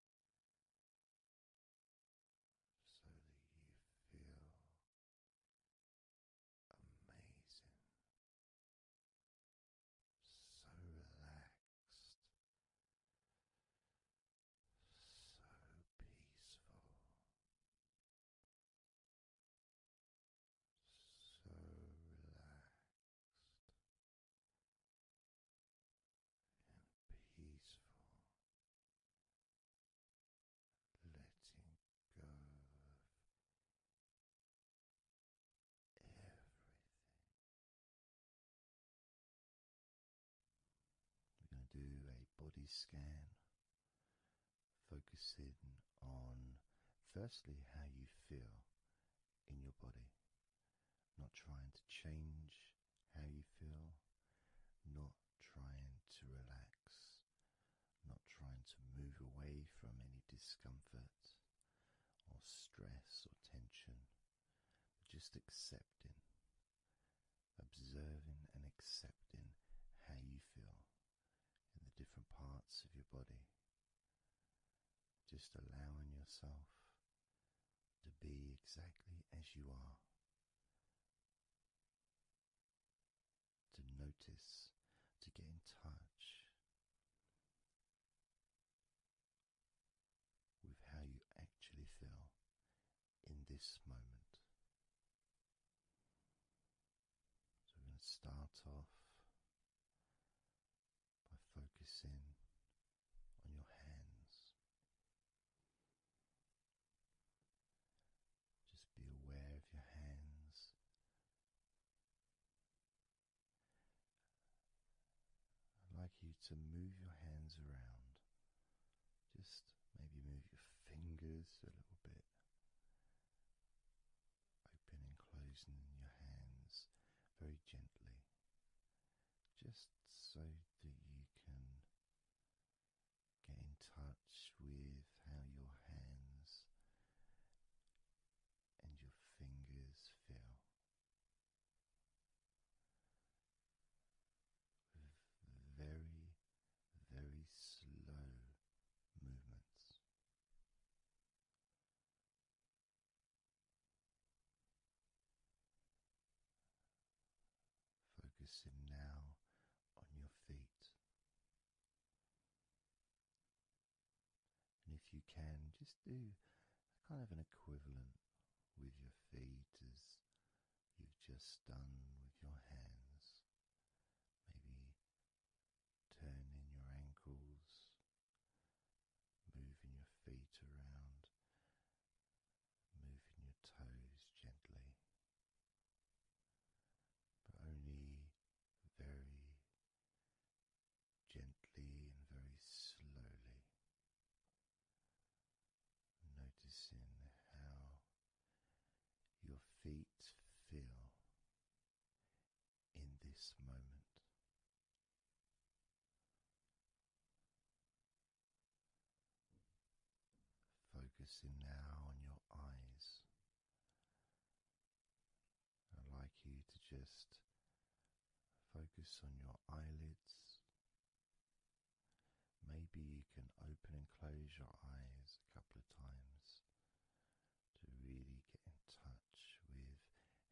so relaxed, so peaceful. So relaxed and peaceful, letting go of everything. We're going to do a body scan focusing on firstly how you feel in your body, not trying to change how you feel, not trying to relax, not trying to move away from any discomfort or stress or tension, just accepting, observing and accepting how you feel in the different parts of your body. Just allowing yourself to be exactly as you are. To notice, to get in touch with how you actually feel in this moment. So we're going to start off by focusing on your hands. Just be aware of your hands. I'd like you to move your hands around. Just maybe move your fingers a little bit. Opening, and closing your hands very gently, just so that you can get in touch with how your hands and your fingers feel. very very slow movements. Focusing now on your feet. And if you can, just do kind of an equivalent with your feet as you've just done with your hands. Maybe turning your ankles, moving your feet around, moving your toes gently, but only very gently and very slowly. Noticing how your feet feel in this moment. Focusing now on your eyes. I'd like you to just focus on your eyelids. Maybe you can open and close your eyes a couple of times to really get in touch with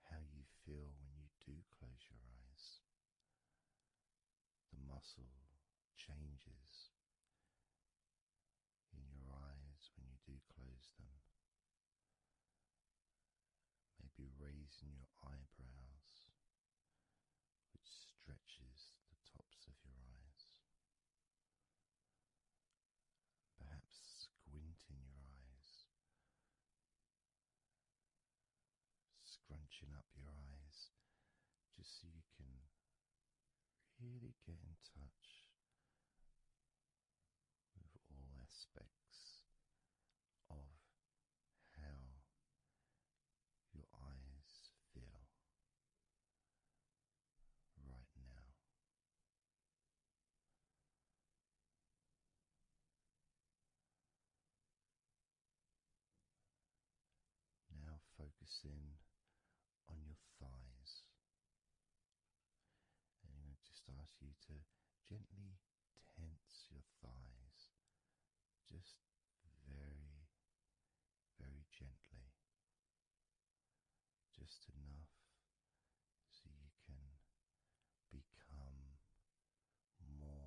how you feel when you do close your eyes. The muscle changes in your eyes when you do close them. Maybe raising your eyebrows, which stretches the tops of your eyes perhaps squinting your eyes, scrunching up your eyes, just so you can really get in touch with all aspects of how your eyes feel right now. Now focusing on your thighs. And I'm just ask you to gently tense your thighs, just very, very gently just enough so you can become more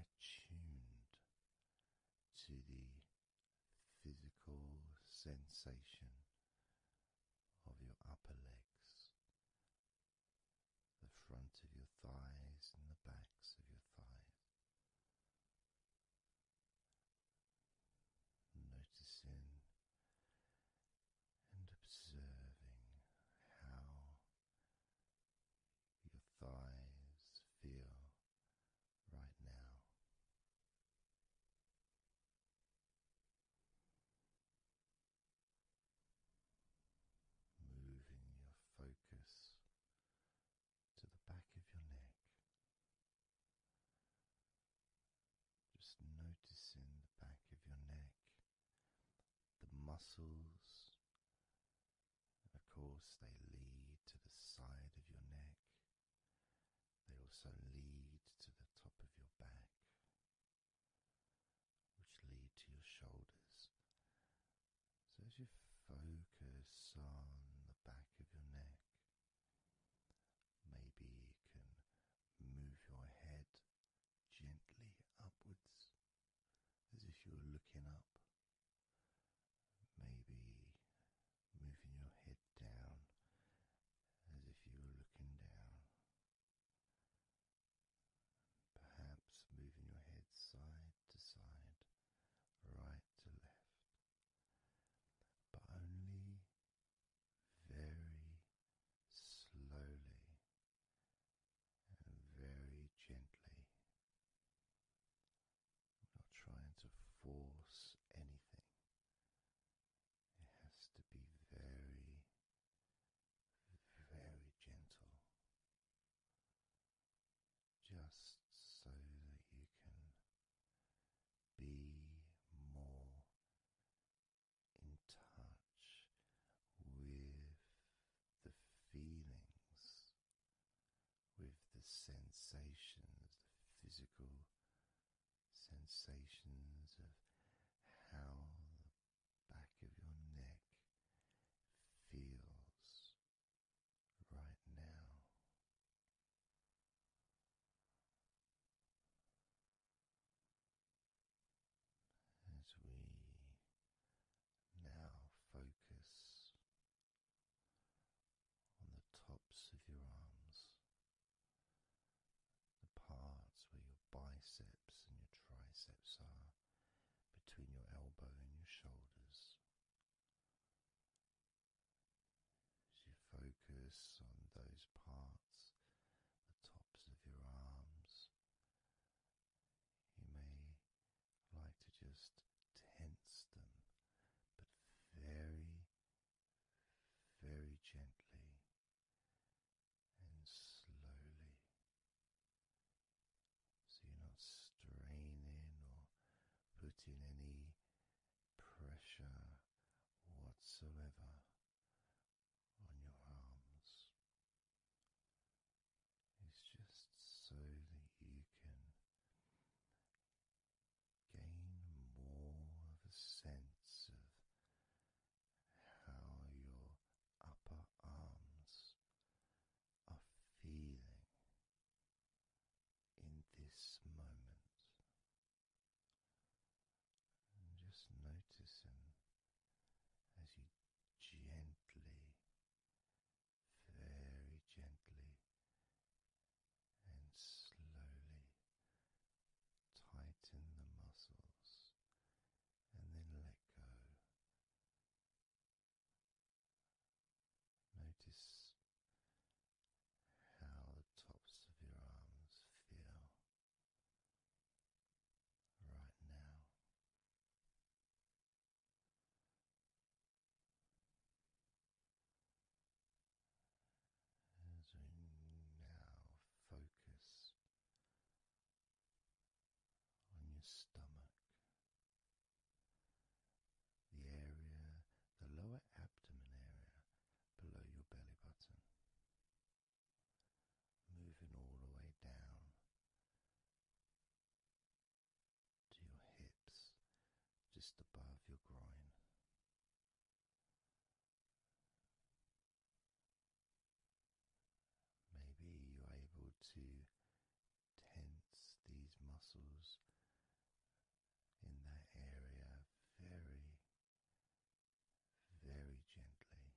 attuned to the physical sensation of your upper legs, the front of your thighs, and the backs of your thighs noticing and observing how your thighs feel right now. Moving your focus to the back of your neck. Just noticing the back of your neck, the muscles, of course, they lead to the side of your neck, they also lead to the top of your back, which lead to your shoulders. So, as you focus on the back of your neck, Maybe you can move your head gently upwards as if you were looking up. Maybe moving your head down as if you were looking down. Perhaps moving your head side to side, right to left but only very slowly and very gently. not trying to force anything, it has to be very, very gentle. Just so that you can be more in touch with the feelings, with the sensations, the physical sensations of how the back of your neck feels right now. As we now focus on the tops of your arms, the parts where your biceps and your triceps are, between your elbow and your shoulders, as you focus on those parts, the tops of your arms, you may like to just tense them, but very, very gently and slowly. So you're not straining or putting any pressure whatsoever on your arms. It's just so that you can gain more of a sense of how your upper arms are feeling in this moment just noticing as you gently, very gently, and slowly tighten the muscles and then let go. Notice how the tops of your arms feel right now. As we now focus on your stomach, the area, the lower abdomen area below your belly button, moving all the way down to your hips, just above your groin. Maybe you're able to tense these muscles in that area very very gently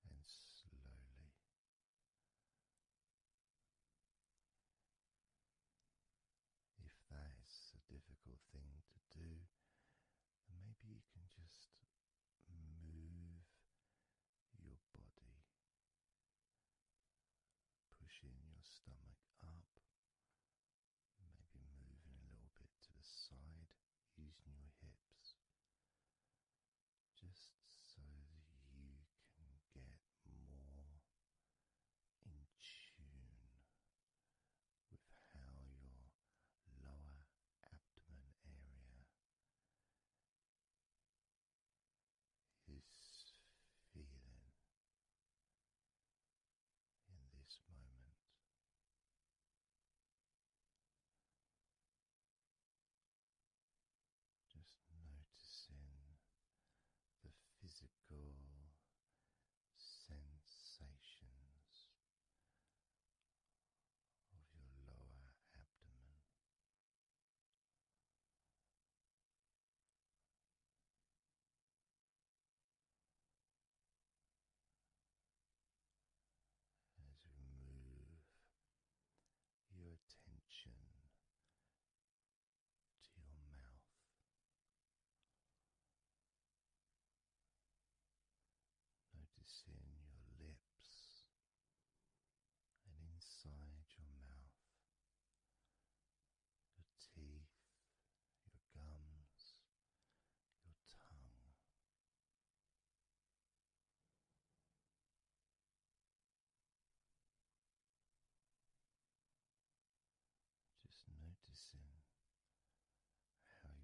and slowly. If that is a difficult thing to do, maybe you can just move your body, pushing your stomach up Maybe moving a little bit to the side using your hips just so that you can get more in tune with how your lower abdomen area is feeling in this moment. Just noticing the physical sensations of your lower abdomen. As you move your attention to your mouth, noticing your lips and inside your mouth your teeth, your gums, your tongue. Just noticing how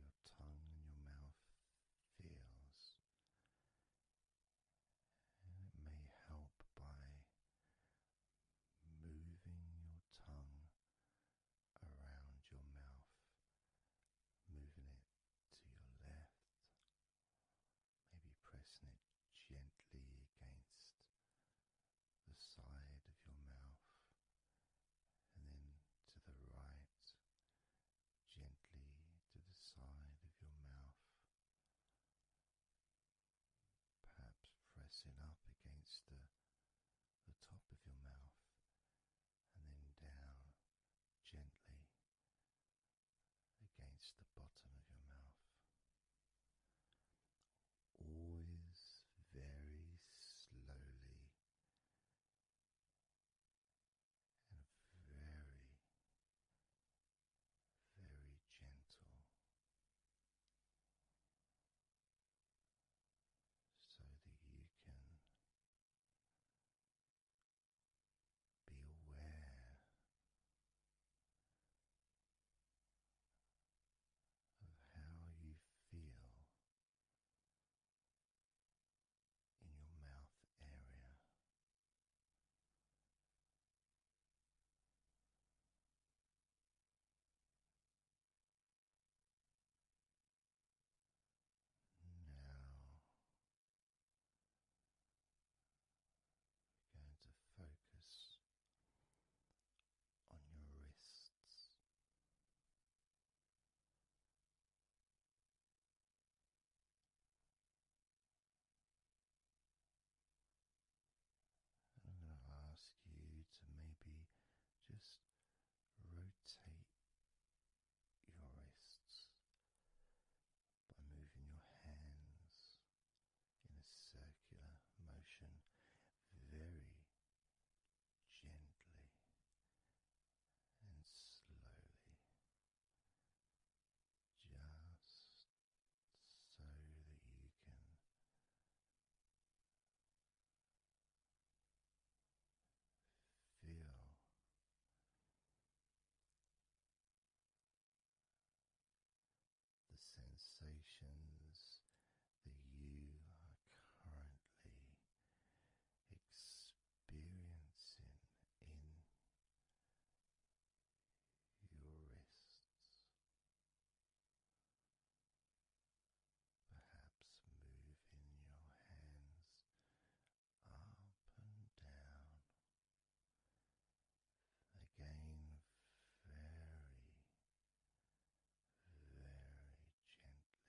your tongue and your mouth feels, it may help by moving your tongue around your mouth, moving it to your left, maybe pressing it gently against the side of your mouth, and then to the right, gently to the side of your mouth perhaps pressing up against the, top of your mouth and then down gently against the bottom of your mouth. Always very slowly and very, very gentle so that you can be aware of how you feel in your mouth area going to focus on your wrists. I'm going to ask you to maybe just rotate your wrists by moving your hands in a circular motion very gently and slowly, just so that you can Feel the sensations that you are currently experiencing in your wrists perhaps moving your hands up and down. Again, very, very gently and slowly.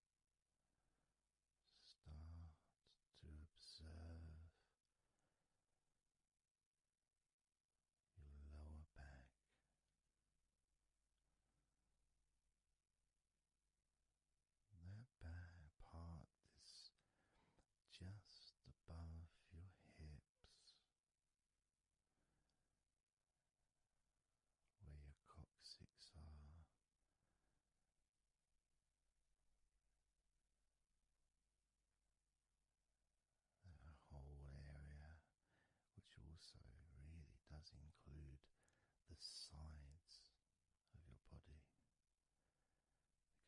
Start to observe your lower back. That back part is just above your hips, where your coccyx are the whole area, which also really does include the sides of your body,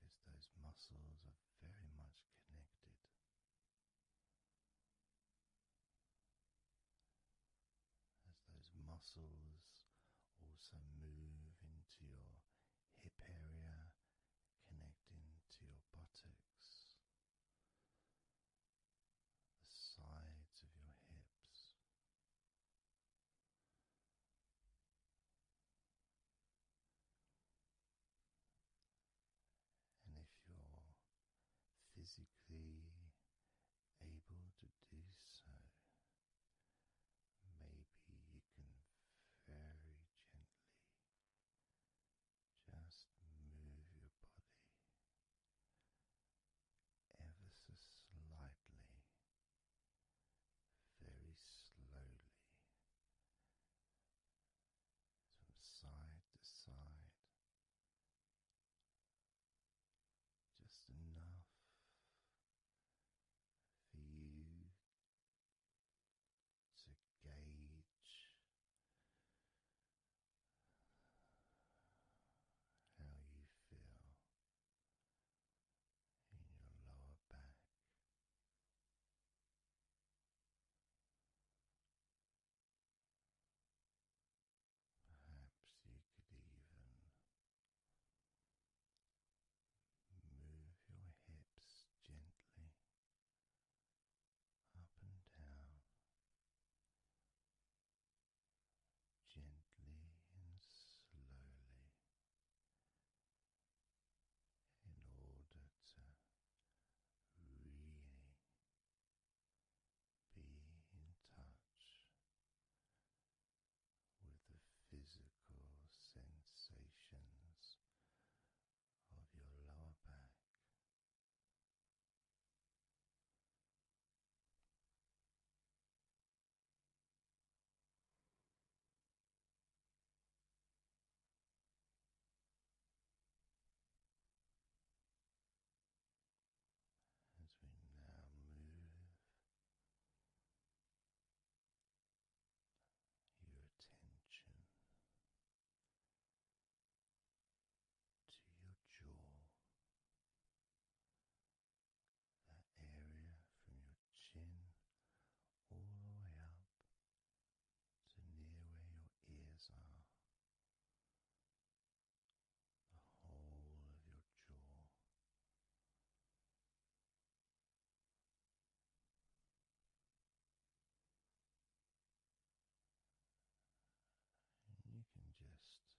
because those muscles are very much connected as those muscles also move into your hip area, connecting to your buttocks, the sides of your hips. And if you're physically able to do so, maybe you can very gently just move your body ever so slightly, very slowly. From side to side, just enough for you to gauge how you feel in your lower back. Perhaps you could even move your hips gently up and down, gently and slowly, in order to really. Be in touch with the physical sensations of your lower back as we now move your attention to your jaw, that area from your chin all the way up to near where your ears are the whole of your jaw. you can just,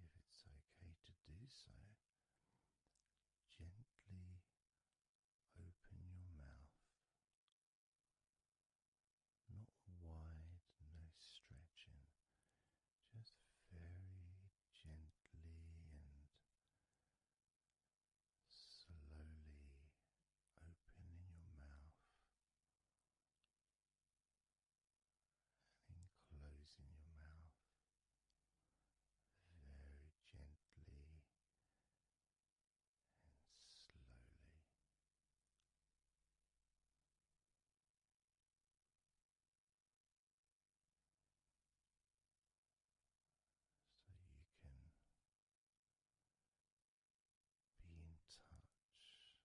if it's okay to do so, gently open your mouth, not wide, no stretching, just very gently and slowly opening your mouth and closing your mouth very gently and slowly so you can be in touch. With how your jaw feels now,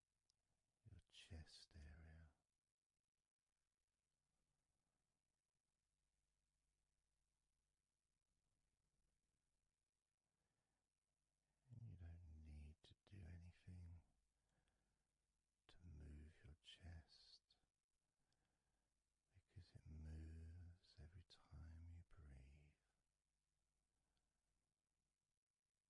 your chest area. you don't need to do anything to move your chest because it moves every time you breathe it moves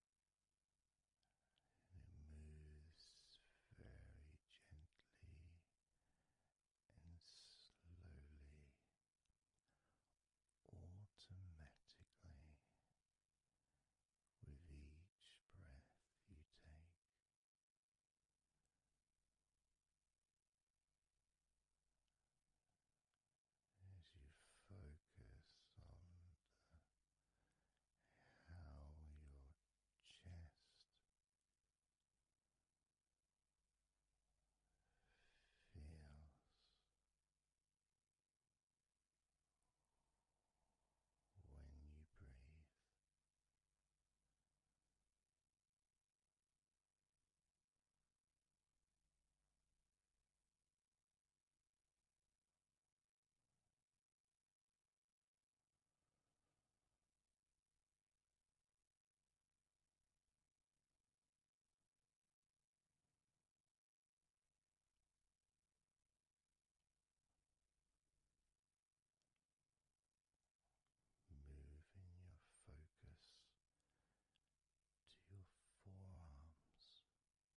very gently and slowly, automatically, with each breath you take as you focus on the, how your chest feels. When you breathe, Moving your focus to your forearms and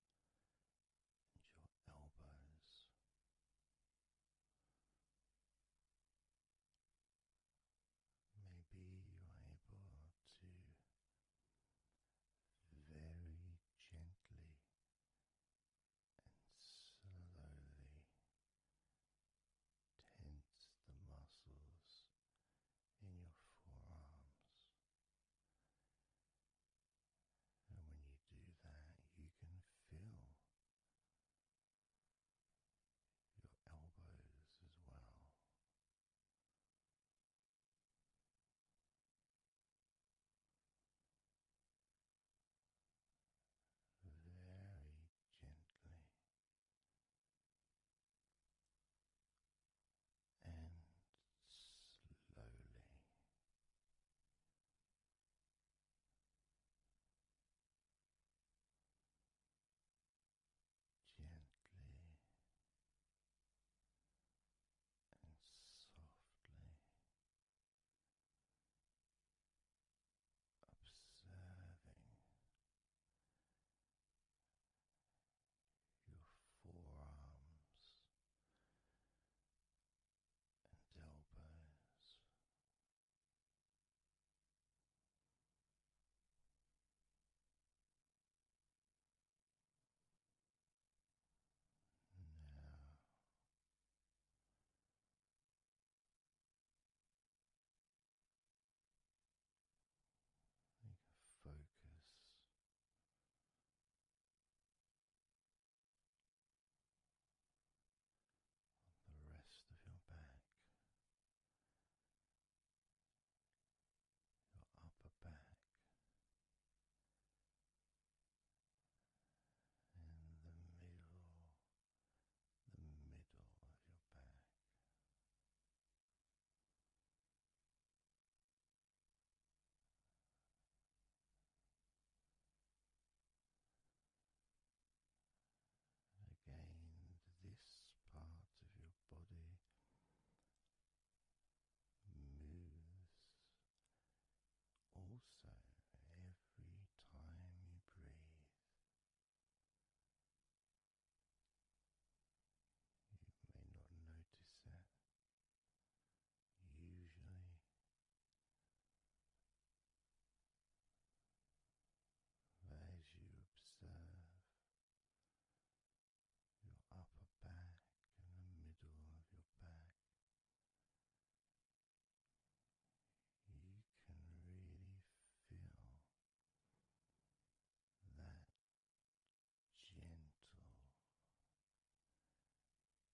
your elbows. Maybe you're able to very gently and slowly tense the muscles in your forearms and when you do that, you can feel your elbows as well. Very gently and slowly. Gently and softly observing your forearms and elbows. Now you can focus on the rest of your back, your upper back, and the middle, the middle of your back. Again, this part of your body moves also every time you breathe. You may not notice it usually as you observe your upper back and the middle of your back, you can really feel that gentle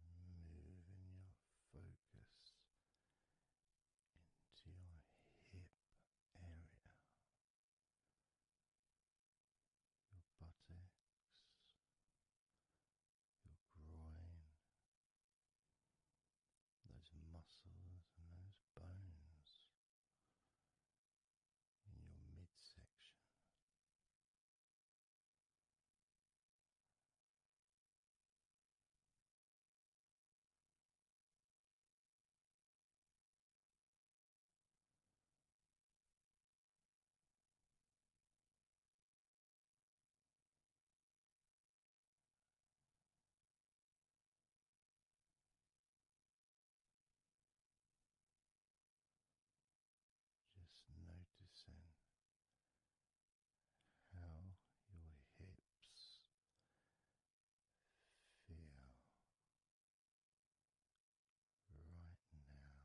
Moving your focus into your hip area, your buttocks, your groin, those muscles and those bones in your midsection. Just noticing how your hips right now. You can very, very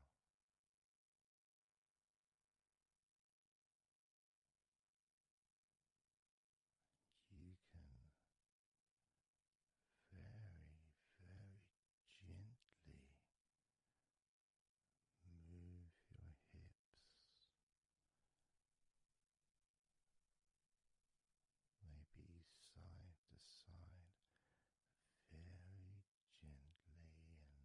gently move your hips maybe side to side, very gently and slowly. Very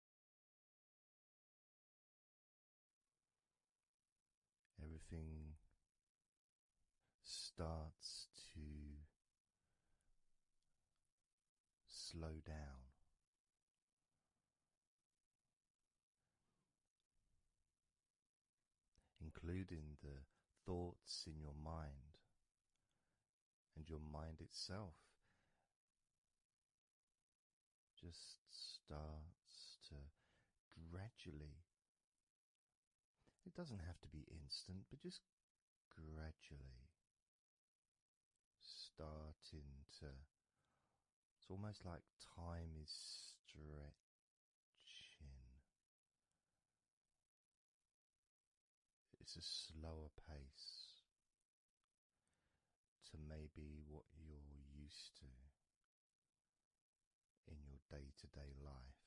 Everything starts to slow down. Including the thoughts in your mind and your mind itself just starts to gradually, it doesn't have to be instant, but just gradually starting to. It's almost like time is stretching. It's a slower pace to maybe what you're used to in your day to day life.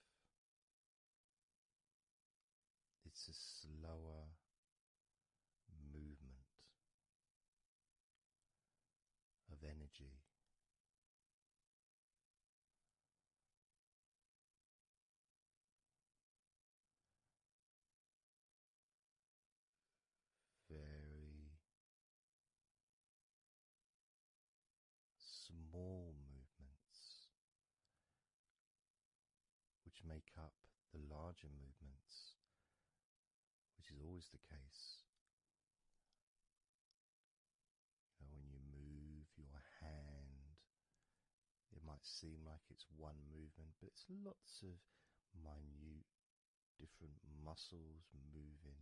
It's a slower movement of energy very small movements which make up the larger movements, which is always the case. when you move your hand, it might seem like it's one movement, but it's lots of minute different muscles moving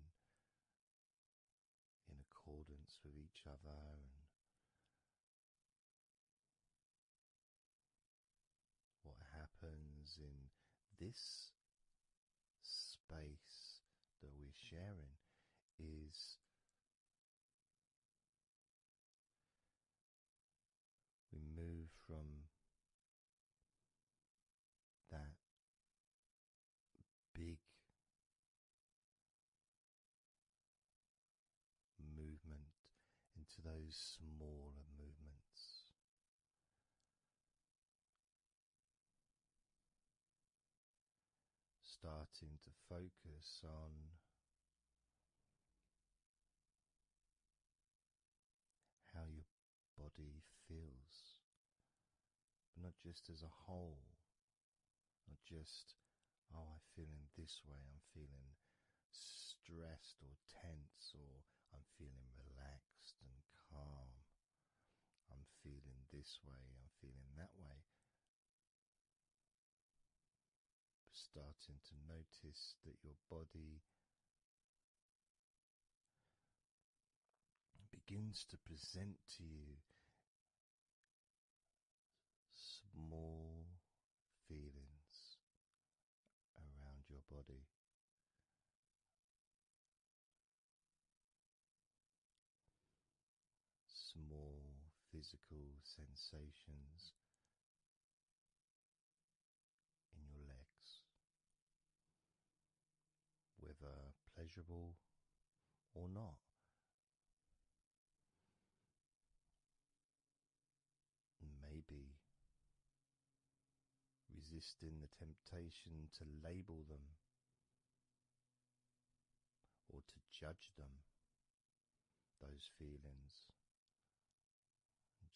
in accordance with each other and what happens in this space that we're sharing is we move from that big movement into those smaller movements. Starting to focus on how you body feels, not just as a whole, not just, oh, I'm feeling this way, I'm feeling stressed or tense, or I'm feeling relaxed and calm, I'm feeling this way, I'm feeling that way. Starting to notice that your body begins to present to you small feelings around your body. Small physical sensations in your legs, whether pleasurable or not. Maybe resisting the temptation to label them or to judge them, those feelings,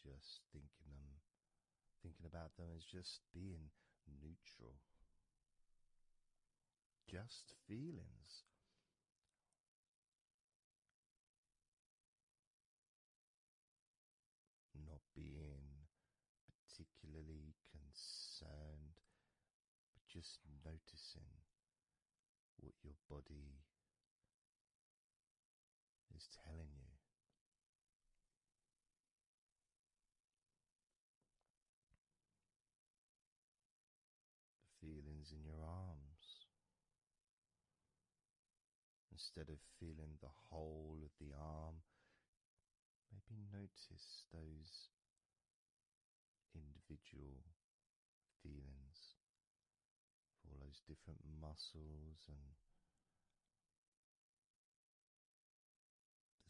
just thinking them thinking about them as just being neutral. Just feelings. Not being particularly concerned, but just noticing what your body is telling you the feelings in your arms. Instead of feeling the whole of the arm, maybe notice those individual feelings all those different muscles and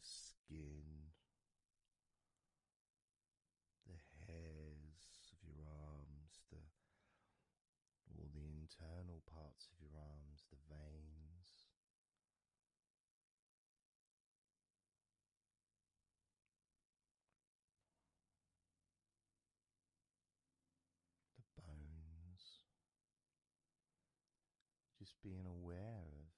the skin, the hairs of your arms, the all the internal parts of your arms, the veins. The bones, just being aware of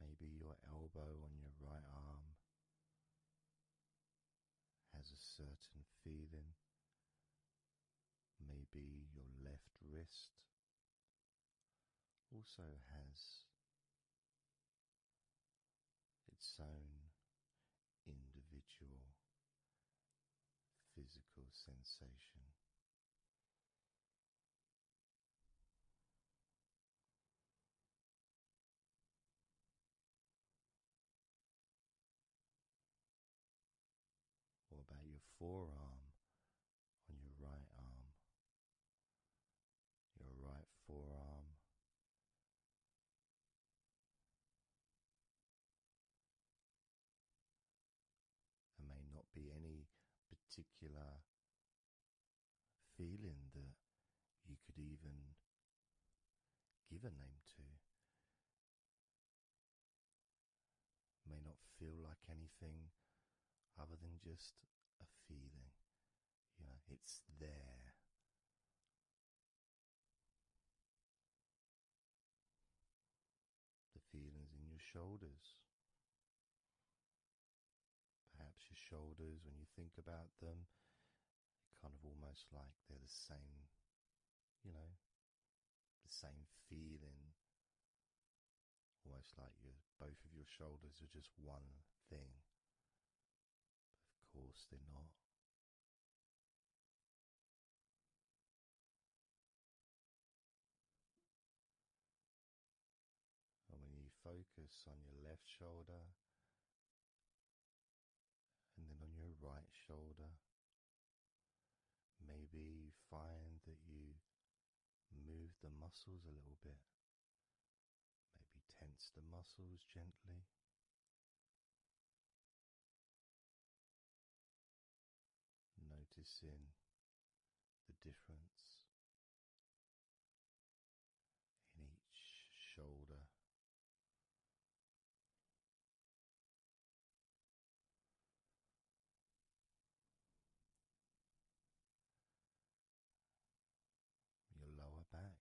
maybe your elbow on your right arm has a certain feeling, maybe your left wrist also has its own individual physical sensation. What about your forearm on your right arm? Your right forearm. There may not be any particular feeling that you could even give a name to. It may not feel like anything other than just a feeling. You know, it's there the feelings in your shoulders. Perhaps your shoulders, when you think about them, kind of almost like they're the same, you know, the same feeling. Almost like you both of your shoulders are just one thing. of course, they're not. And when you focus on your left shoulder and then on your right shoulder, maybe you find that you move the muscles a little bit, maybe tense the muscles gently. Noticing the difference in each shoulder, your lower back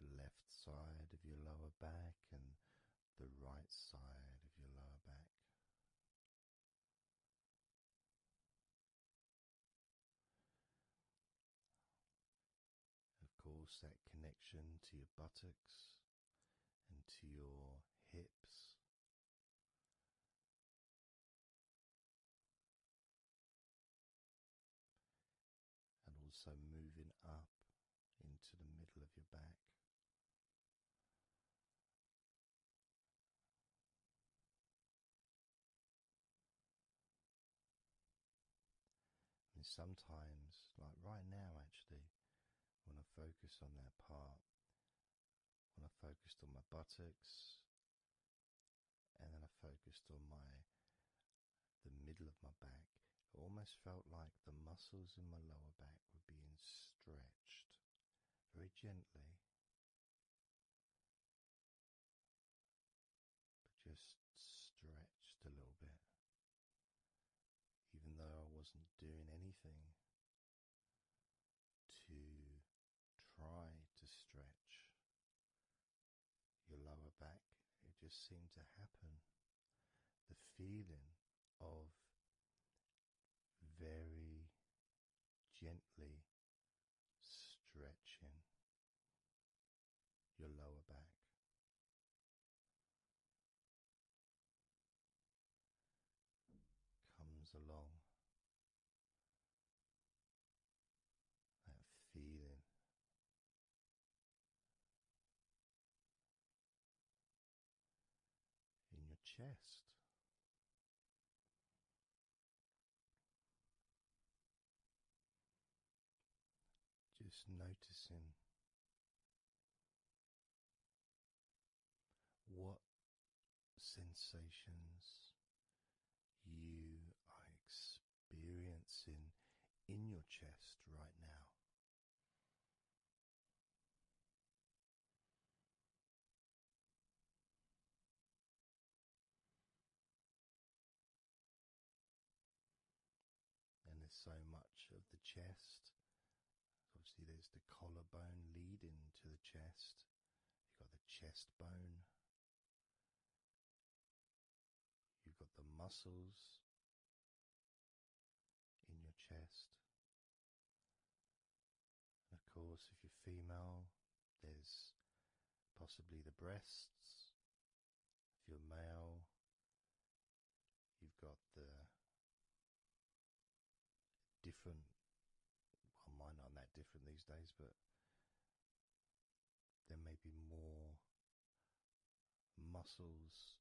the left side of your lower back and the right side of your lower back. Of course, that connection to your buttocks into your hips. And also moving up into the middle of your back. sometimes, like right now, actually, want to focus on that part, when I focused on my buttocks, and then I focused on my the middle of my back. It almost felt like the muscles in my lower back were being stretched very gently. But just stretched a little bit. Even though I wasn't doing anything to try to stretch your lower back. It just seemed to happen. The feeling of very gently stretching your lower back comes along. That feeling in your chest. Just noticing what sensations you are experiencing in your chest right now. And there's so much of the chest Obviously, there's the collarbone leading to the chest. You've got the chest bone. You've got the muscles in your chest. And of course, if you're female, there's possibly the breasts. If you're male, you've got the different. Well, might not that different these days, but there may be more muscles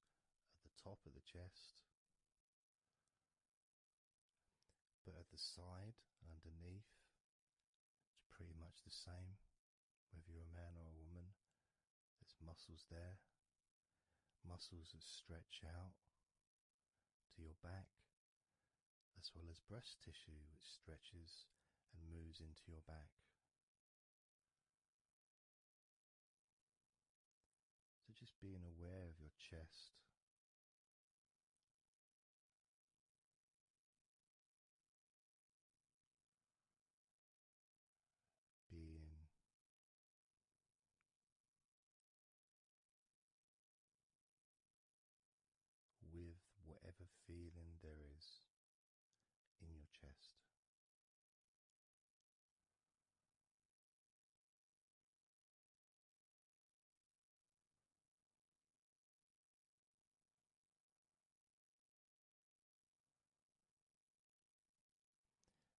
at the top of the chest, but at the side, underneath, it's pretty much the same. Whether you're a man or a woman, there's muscles there, muscles that stretch out to your back, as well as breast tissue which stretches and moves into your back. So just being aware of your chest. Being with whatever feeling there is in your chest.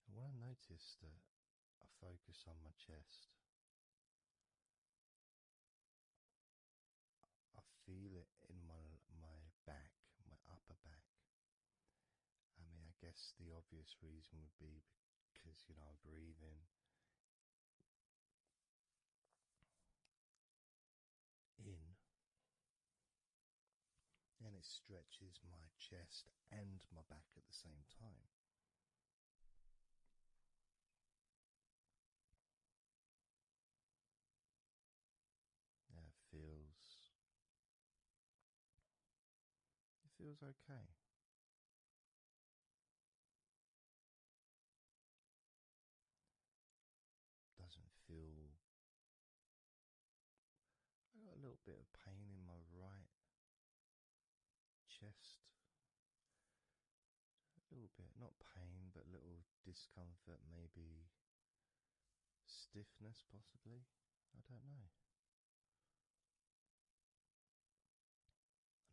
And what I noticed that I focus on my chest I feel it in my my back, my upper back. I mean, I guess the obvious reason would be because you know I breathe in. In and it stretches my chest and my back at the same time. That feels it feels okay. Doesn't feel I got a little bit of pain in my right chest. A little bit, not pain, but little discomfort, maybe stiffness, possibly. I don't know.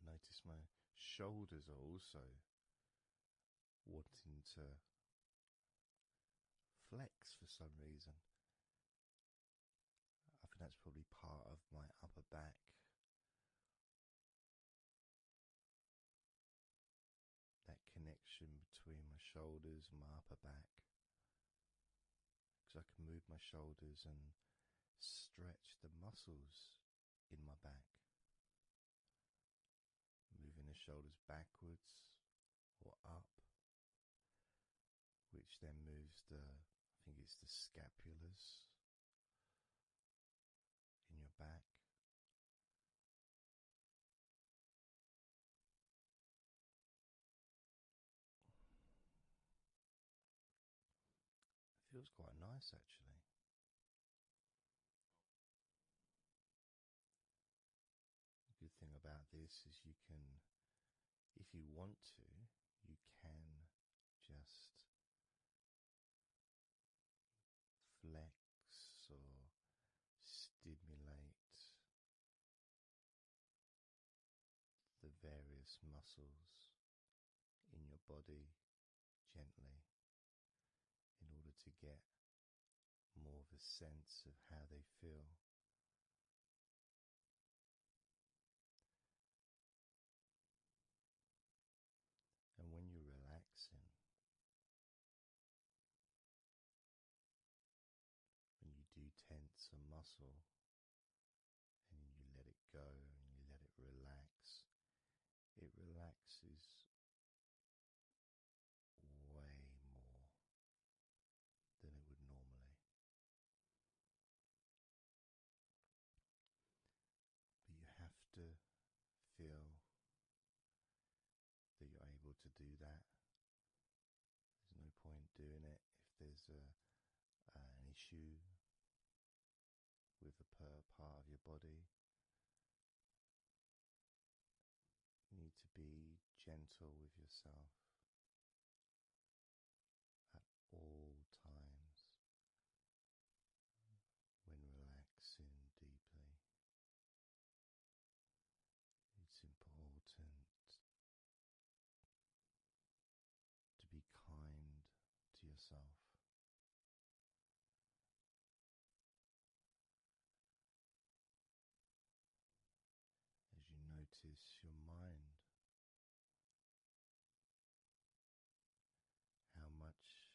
I notice my shoulders are also wanting to flex for some reason. I think that's probably part of my upper back. That connection between my shoulders and my upper back. Because I can move my shoulders and stretch the muscles in my back. Moving the shoulders backwards or up, which then moves the, I think it's the scapulas in your back. It feels quite nice actually. good thing about this is you can, if you want to, you can just flex or stimulate the various muscles in your body gently in order to get more of a sense of how they feel. And when you're relaxing, when you do tense a muscle and you let it go and you let it relax, it relaxes way more than it would normally. But you have to feel that you're able to do that. There's no point doing it if there's a, uh, an issue with a part of your body. You need to be gentle with yourself at all times when relaxing deeply. It's important to be kind to yourself. As you notice your mind how much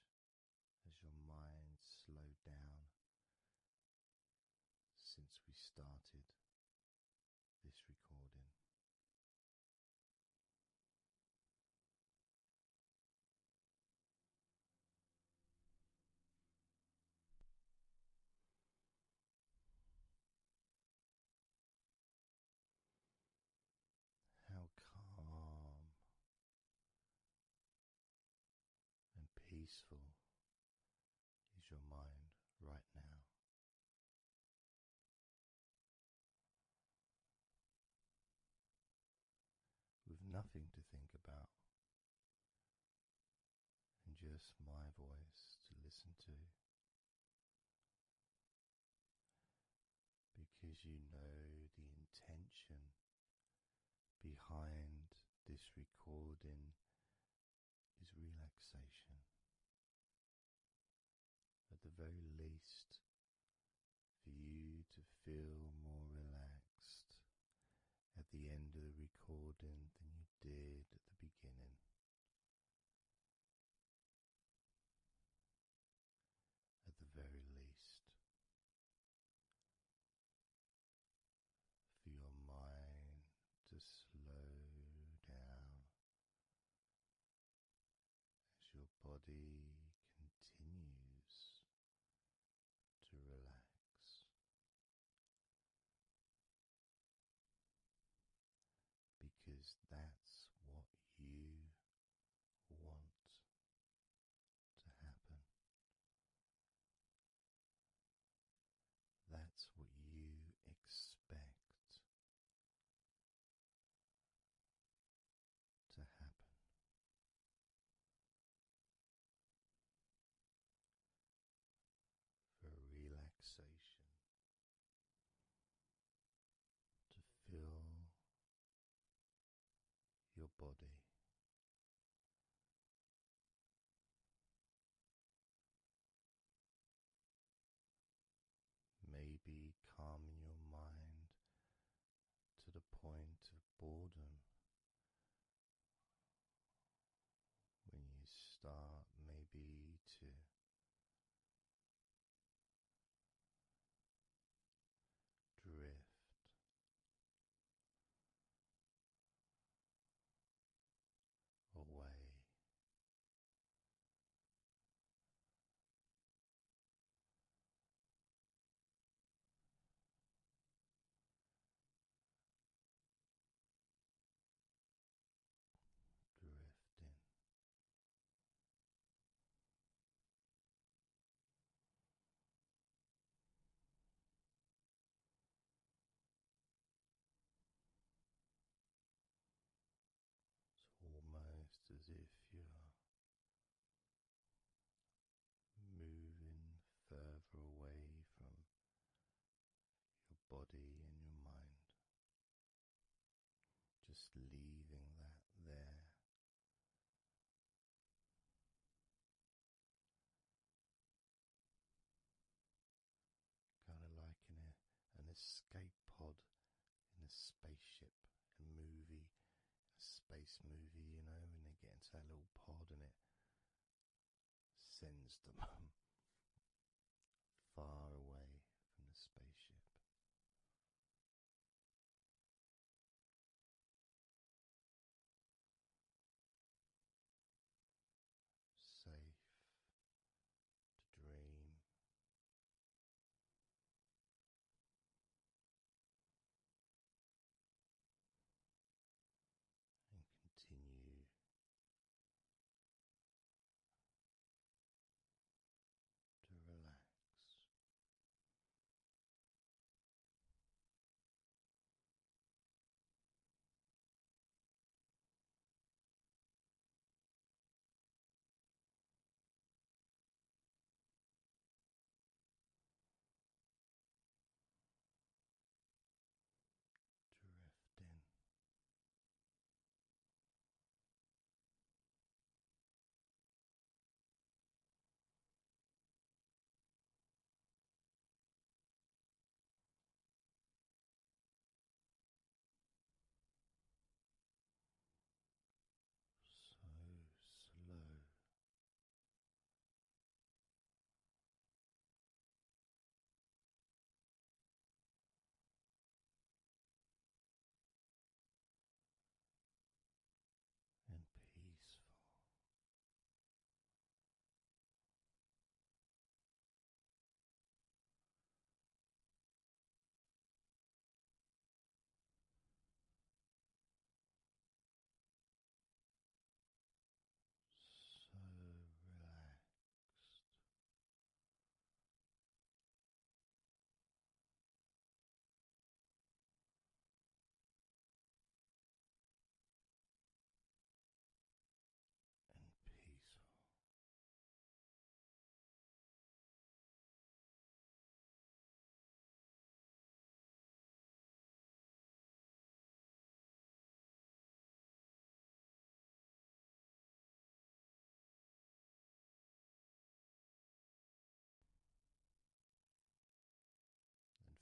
has your mind slowed down since we started this recording? How calm and peaceful is your mind right now? With nothing to think about, and just my voice to listen to because you know the intention behind this recording is relaxation. At the very least, for you to feel more relaxed at the end of the recording than you did at the beginning at the very least, for your mind to slow down as your body continues to relax. Because that's what you want to happen. That's what you expect to happen. For relaxation to fill your body. Maybe calming your mind to the point of boredom when you start, maybe to drift. Away drifting it's almost as if you're moving further away from your body and your mind, just leaving that there Kind of like in a, an escape pod in a spaceship, a movie, a space movie, you know, and they get into that little pod and it sends them far away from the spaceship safe to dream. And continue to relax. Drifting. So slow and peaceful. So relaxed and peaceful and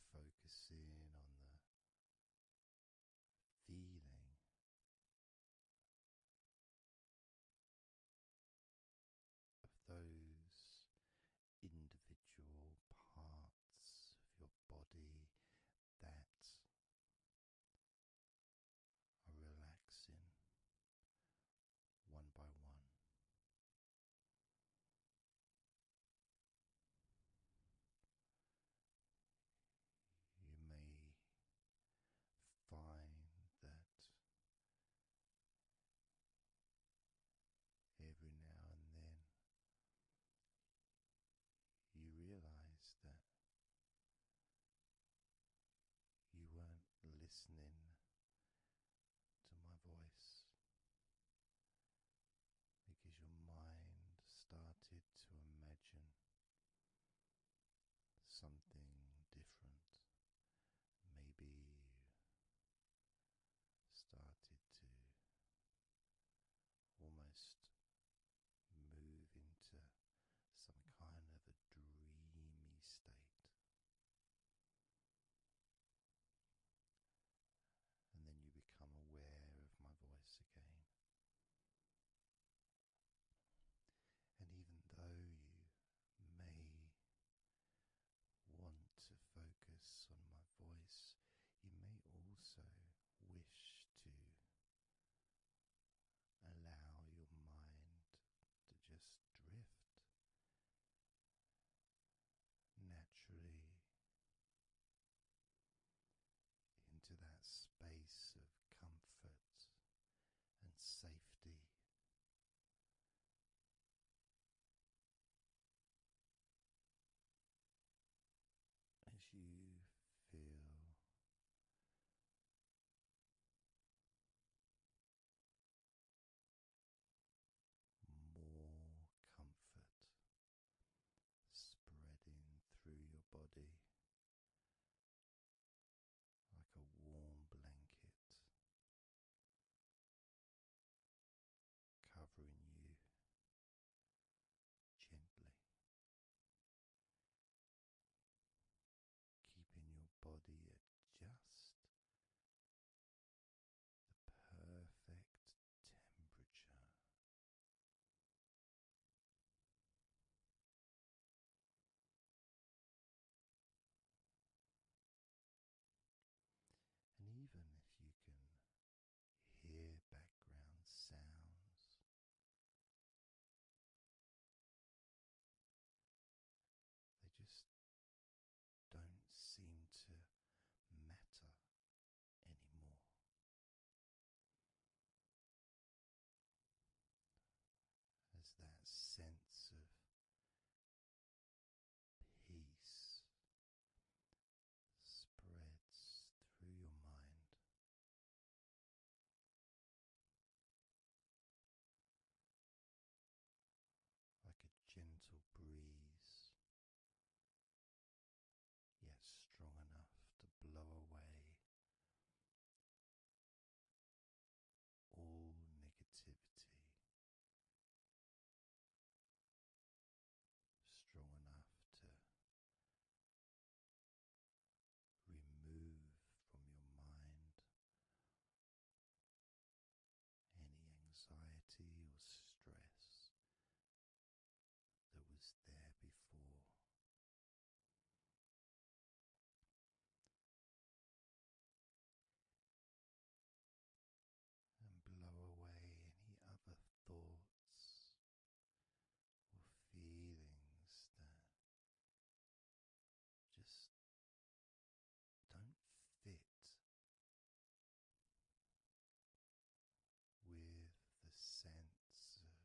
focusing on the feeling. Of those individual parts of your body that are relaxing one by one, you may find that every now and then you realize that you weren't listening to my voice because your mind started to imagine something different. Maybe started to almost move into some kind of a dreamy state. And then you become aware of my voice again. And even though you may want to focus on my voice, you may also wish to allow your mind to just drift naturally into that space of comfort and safety. As you feel more comfort spreading through your body like a warm blanket. Covering you gently, keeping your body at the perfect temperature. And even if you can hear background sounds, they just don't seem to matter anymore. As that sense of peace spreads through your mind, like a gentle breeze, yet strong enough to blow away all negativity. Strong enough to remove from your mind any anxiety or stress that was there before. And blow away any other thoughts or feelings that just don't fit with the sense of.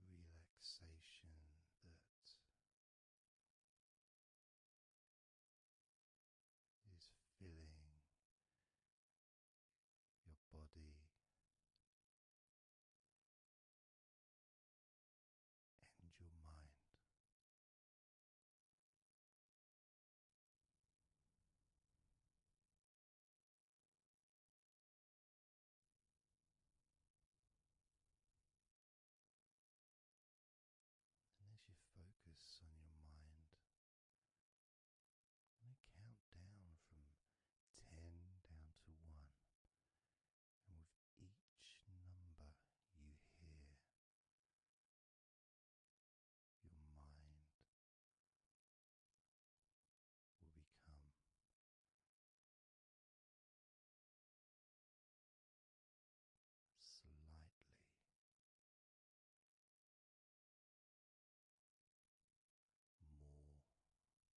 Relaxation that is filling your body and your mind. And as you focus on your mind, I'm count down from ten down to one and with each number you hear, your mind will become slightly more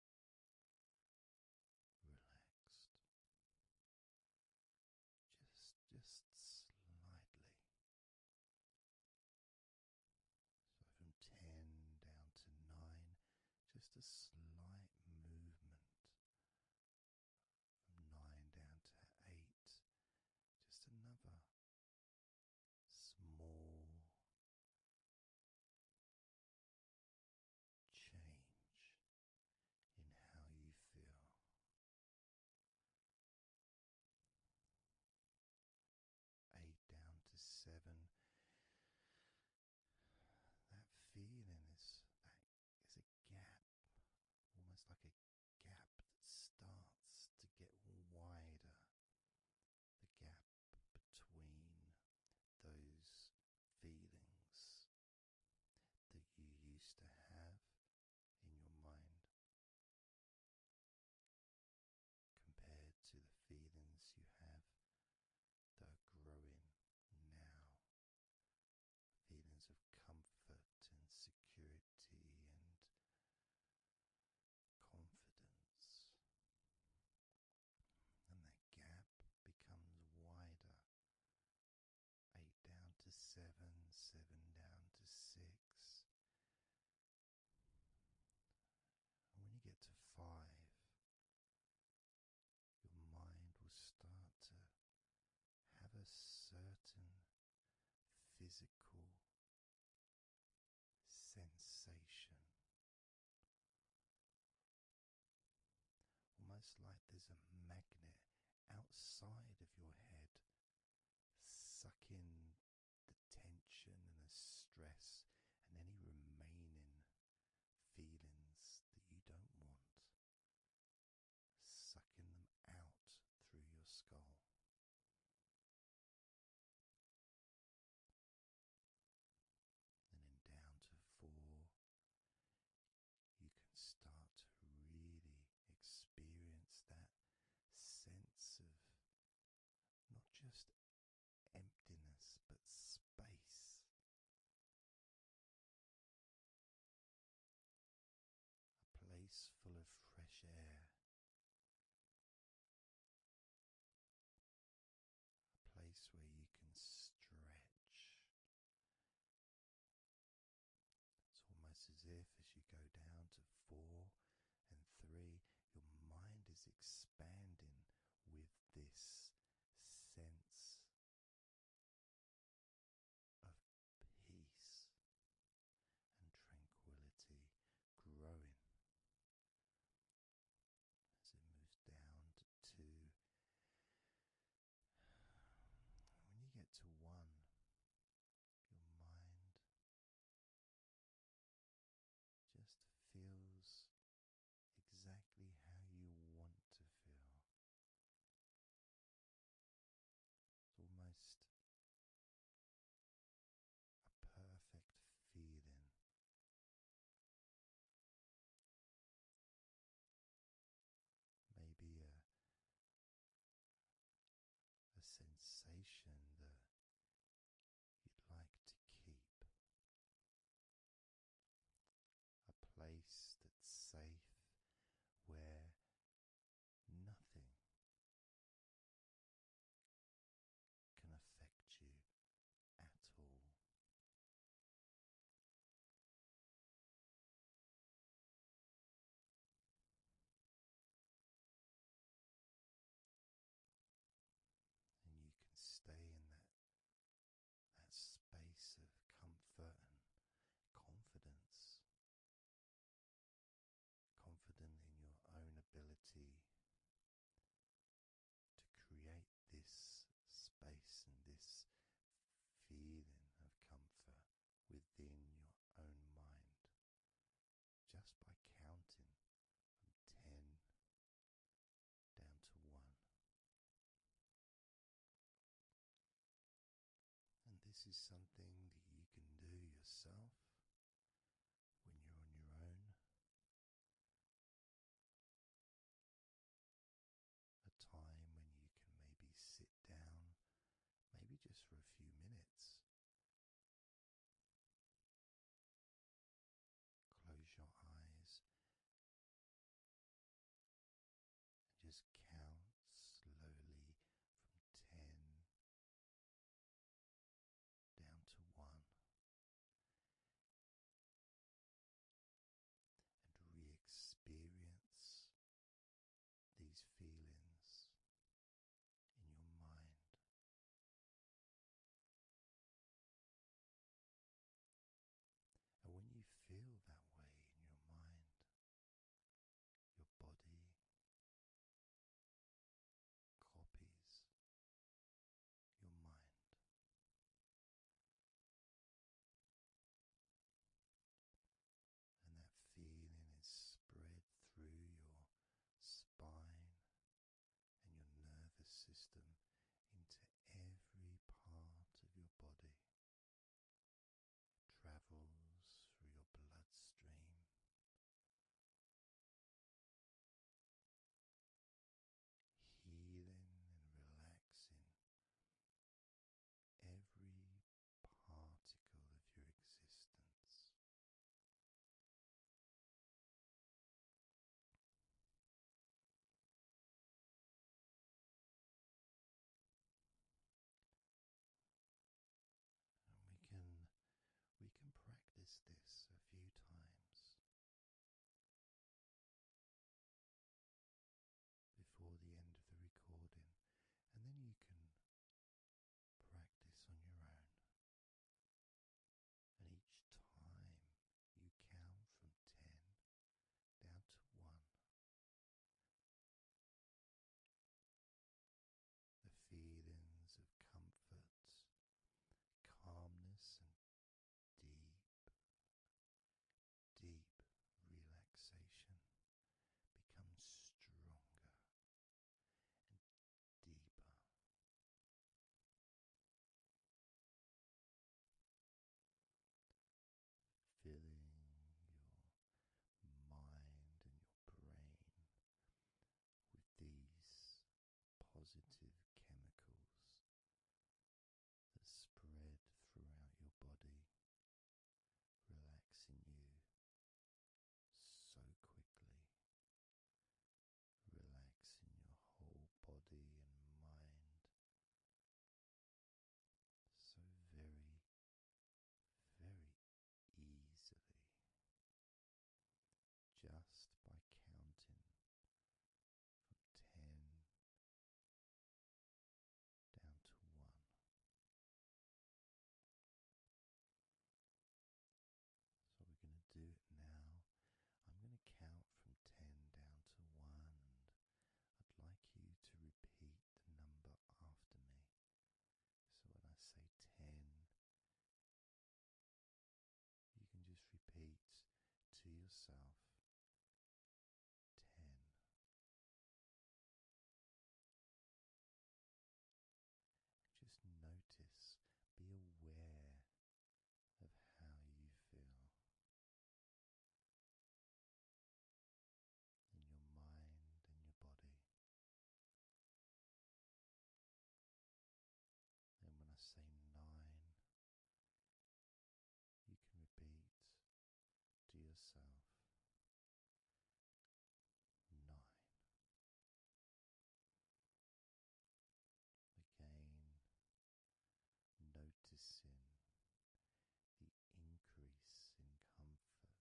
relaxed, just just slightly. So from ten down to nine, just a slight movement. From nine down to eight, just another small change in how you feel. Eight down to seven. That feeling is that is a gap, almost like a gap that starts to get wider. The gap between those feelings that you used to have in your mind compared to the feelings you have that are growing now feelings of comfort and security and confidence and that gap becomes wider. Eight down to seven, seven down to six. And when you get to five, your mind will start to have a certain physical sensation Almost like there's a magnet outside of your head sucking the tension and the stress and any remaining feelings that you don't want, sucking them out through your skull and then down to four, you can start to really experience that sense of not just emptiness but space. A place full of fresh air a place where you can stretch. It's almost as if, as you go down to four and three, your mind is expanding with this sense of peace and tranquility growing as it moves down to When you get to one, your mind just feels exactly how you want to feel. It's almost a perfect feeling Maybe a, sensation that you'd like to keep. A place that's safe where nothing can affect you at all. And you can stay in that that space of comfort and confidence. Confident in your own ability to create this space and this feeling of comfort within your own mind just by counting from 10 down to 1. And this is something that you can do yourself when you're on your own a time when you can maybe sit down, maybe just for a few minutes. Close your eyes and just count slowly from ten down to one and re experience these feelings in your mind. And when you feel that way in your mind, your body copies your mind and that feeling is spread through your spine and your nervous system into every part of your body. Travels through your bloodstream. Healing and relaxing every particle of your existence. And we can we can practice this a few times before the end of the recording, and then you can practice on your own. And each time you count from 10 down to 1, the feelings of comfort, calmness, and deep deep relaxation becomes stronger and deeper. Filling your mind and your brain with these positive chemicals that spread throughout your body, relaxing you so quickly, relaxing your whole body and mind so very, very easily just by counting from ten down to one. So we're going to do it now. I'm going to count from 10 down to 1 I'd like you to repeat the number after me. So when I say 10, you can just repeat to yourself ten. Just notice, be aware of how you feel in your mind and your body. And when I say nine, you can repeat to yourself nine. Again, noticing the increase in comfort and calmness in your mind and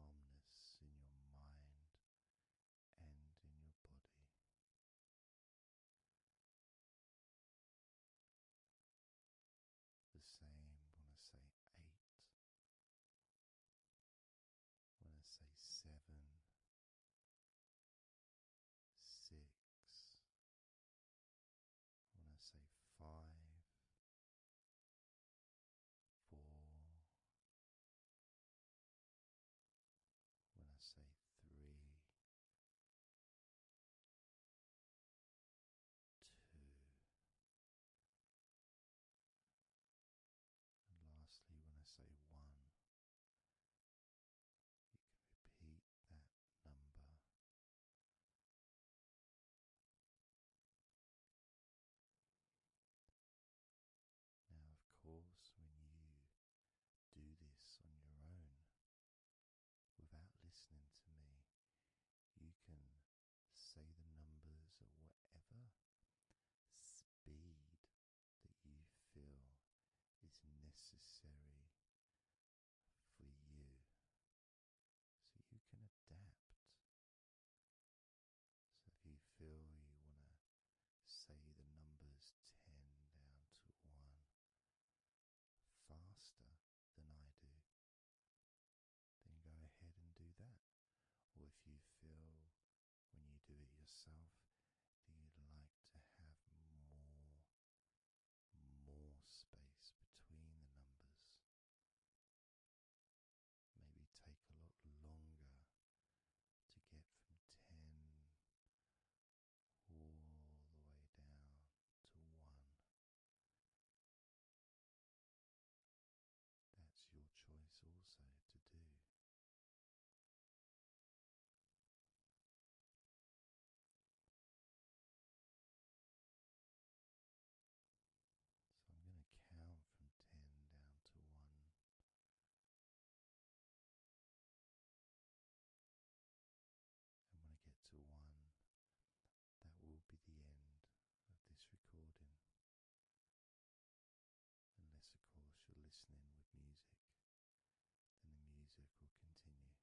in your body. The same when I say eight, when I say seven, six, when I say five, four, when I say three. And lastly, when I say one, you can repeat that number. Now, of course, when you do this on your own, without listening to me, you can say the numbers or whatever speed that you feel is necessary for you so you can adapt. So if you feel you want to say the numbers 10 down to 1, faster than I do, then go ahead and do that. Or if you feel when you do it yourself that you'd like to have more more space between the numbers. Maybe take a lot longer to get from 10 all the way down to one. That's your choice also to do. So I'm going to count from 10 down to 1. And when I get to one, that will be the end of this recording. Unless, of course, you're listening with music, then the music will continue. Ten.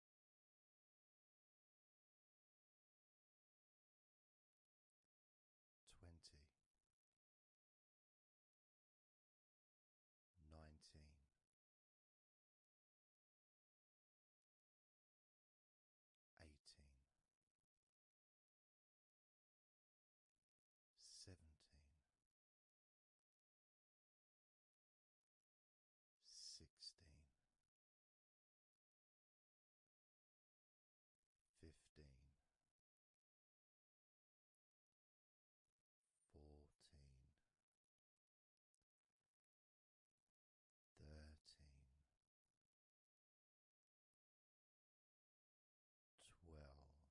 twenty, nineteen, eighteen, seventeen. Sixteen, fifteen, fourteen, thirteen, twelve.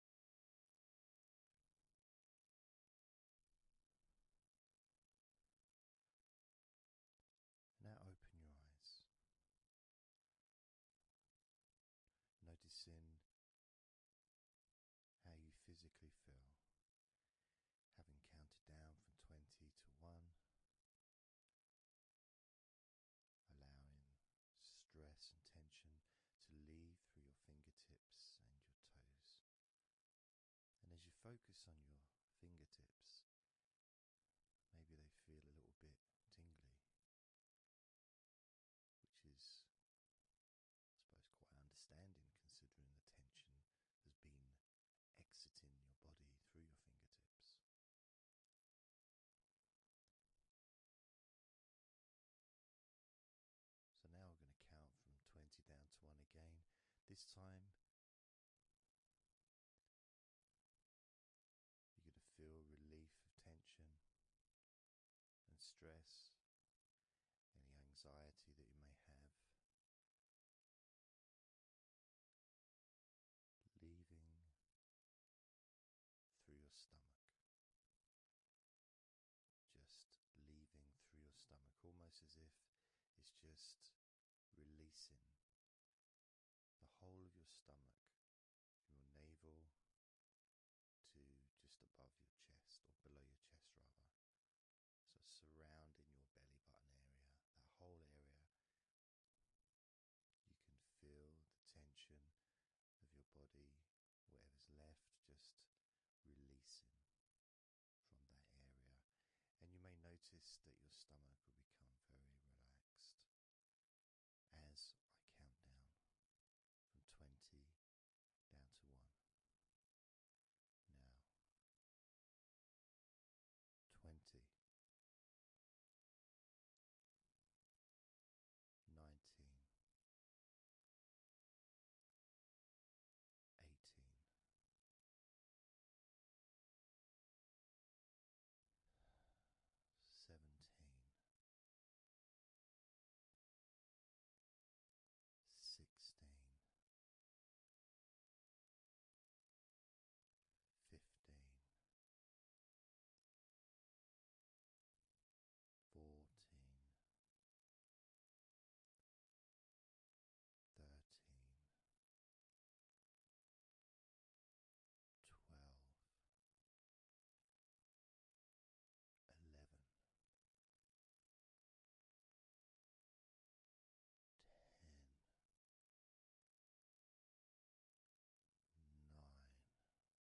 Now open your eyes, noticing how you physically feel. Having counted down from 20 to 1, allowing stress and tension to leave through your fingertips and your toes. And as you focus on your fingertips, maybe they feel a little bit tingly, which is, I suppose, quite understanding considering the tension has been exiting your body through your fingertips. So now we're going to count from 20 down to 1 again. This time, you're going to feel relief of tension and stress, any anxiety that you may have. Leaving through your stomach. Just leaving through your stomach, almost as if it's just releasing the whole of your stomach, your navel to just above your chest or below your chest, rather. So, surrounding your belly button area, that whole area, you can feel the tension of your body, whatever's left, just releasing from that area. And you may notice that your stomach will become very relaxed as I count down from 20 down to 1. Now, 20 nineteen, eighteen. Seventeen, sixteen, fifteen, fourteen, thirteen, twelve, eleven, ten. Nine,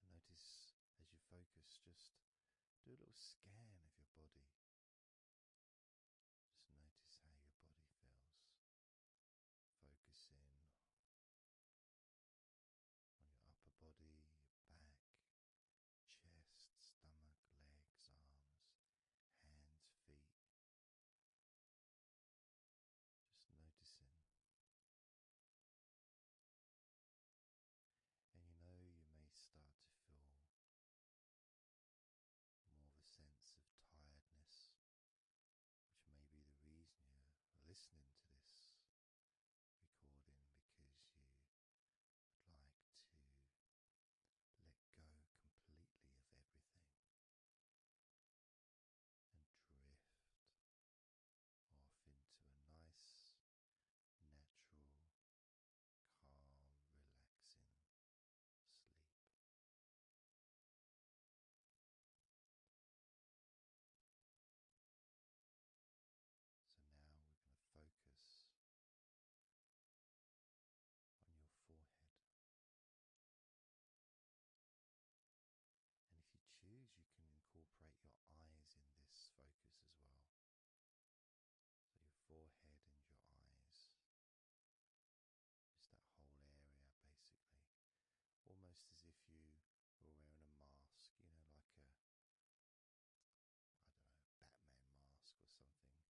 notice as you focus, just do a little scan of your body. Just notice how your body feels. Focus in on your upper body, back, chest, stomach, legs, arms, hands, feet. Just noticing and you know, you may start to feel more of a sense of tiredness, which may be the reason you're listening to this recording because you would like to let go completely of everything and drift off into a nice, natural, calm, relaxing sleep. So now we're going to focus on your forehead. And if you choose, you can incorporate your eyes in this focus as well. So your forehead and your eyes. Just that whole area basically. Almost as if you were wearing a mask, you know, like a I don't know, Batman mask or something. Or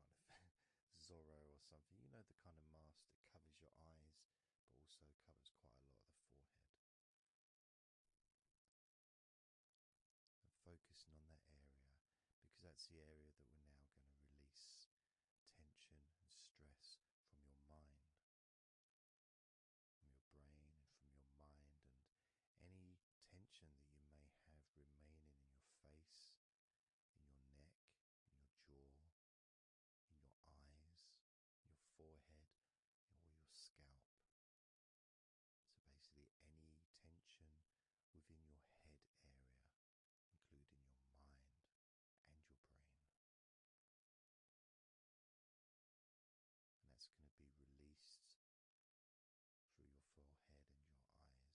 I'm trying to think Zorro or something. You know the kind of mask that covers your eyes but also covers quite a lot of the forehead focusing on that area because that's the area that we're now going to release tension and stress from your mind, from your brain, and from your mind, and any tension that you may have remaining in your face, in your neck, in your jaw, in your eyes, your forehead, or your scalp. So basically, any tension within your head area, including your mind and your brain. And that's going to be released through your forehead and your eyes.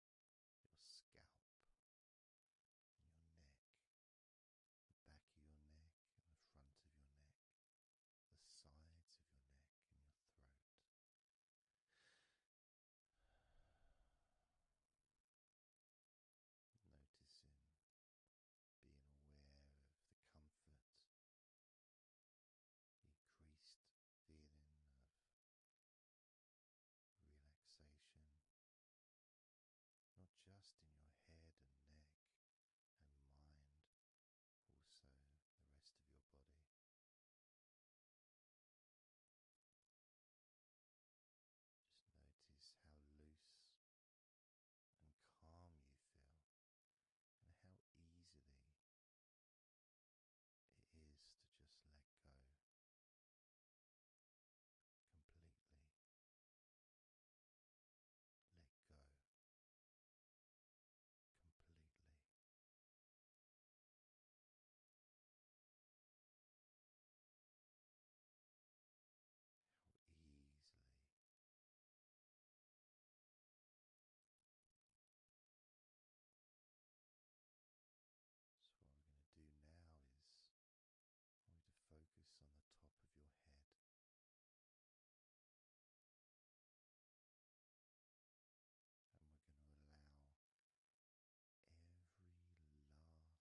your scalp, your neck, the back of your neck, the front of your neck, the sides of your neck, and your throat. Noticing, being aware of the comfort, increased feeling of relaxation, not just in your head and neck and mind, also the rest of your body. Just notice how loose and calm you feel, and how easily it is to just let go completely. Let go completely. How easily so, what we're going to do now is we're going to focus on the top of your head. And we're going to allow every last piece of tension or stress that might be lingering or hiding in your body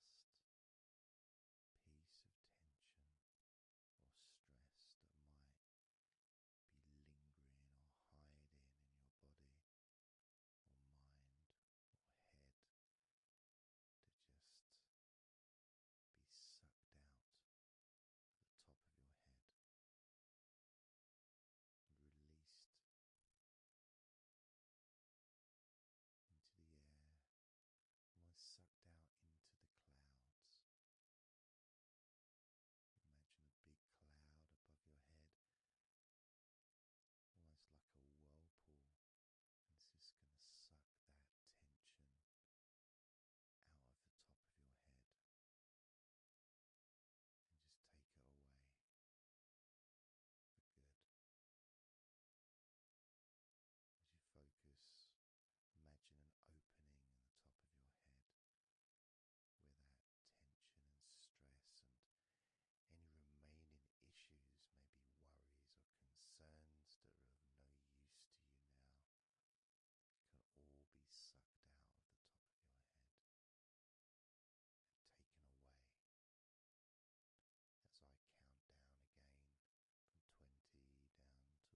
or mind or head to just be sucked out at the top of your head and released into the air, almost sucked out into the clouds. Imagine a big cloud above your head almost like a whirlpool, and it's just going to suck that tension out of the top of your head and just take it away for good. As you focus, imagine an opening in the top of your head where that tension and stress and any remaining issues may be worries or concerns that are of no use to you now can all be sucked out of the top of your head and taken away. As I count down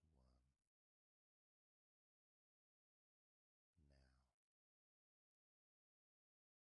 again from 20 down to 1. Now,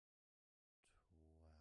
twelve. Eleven,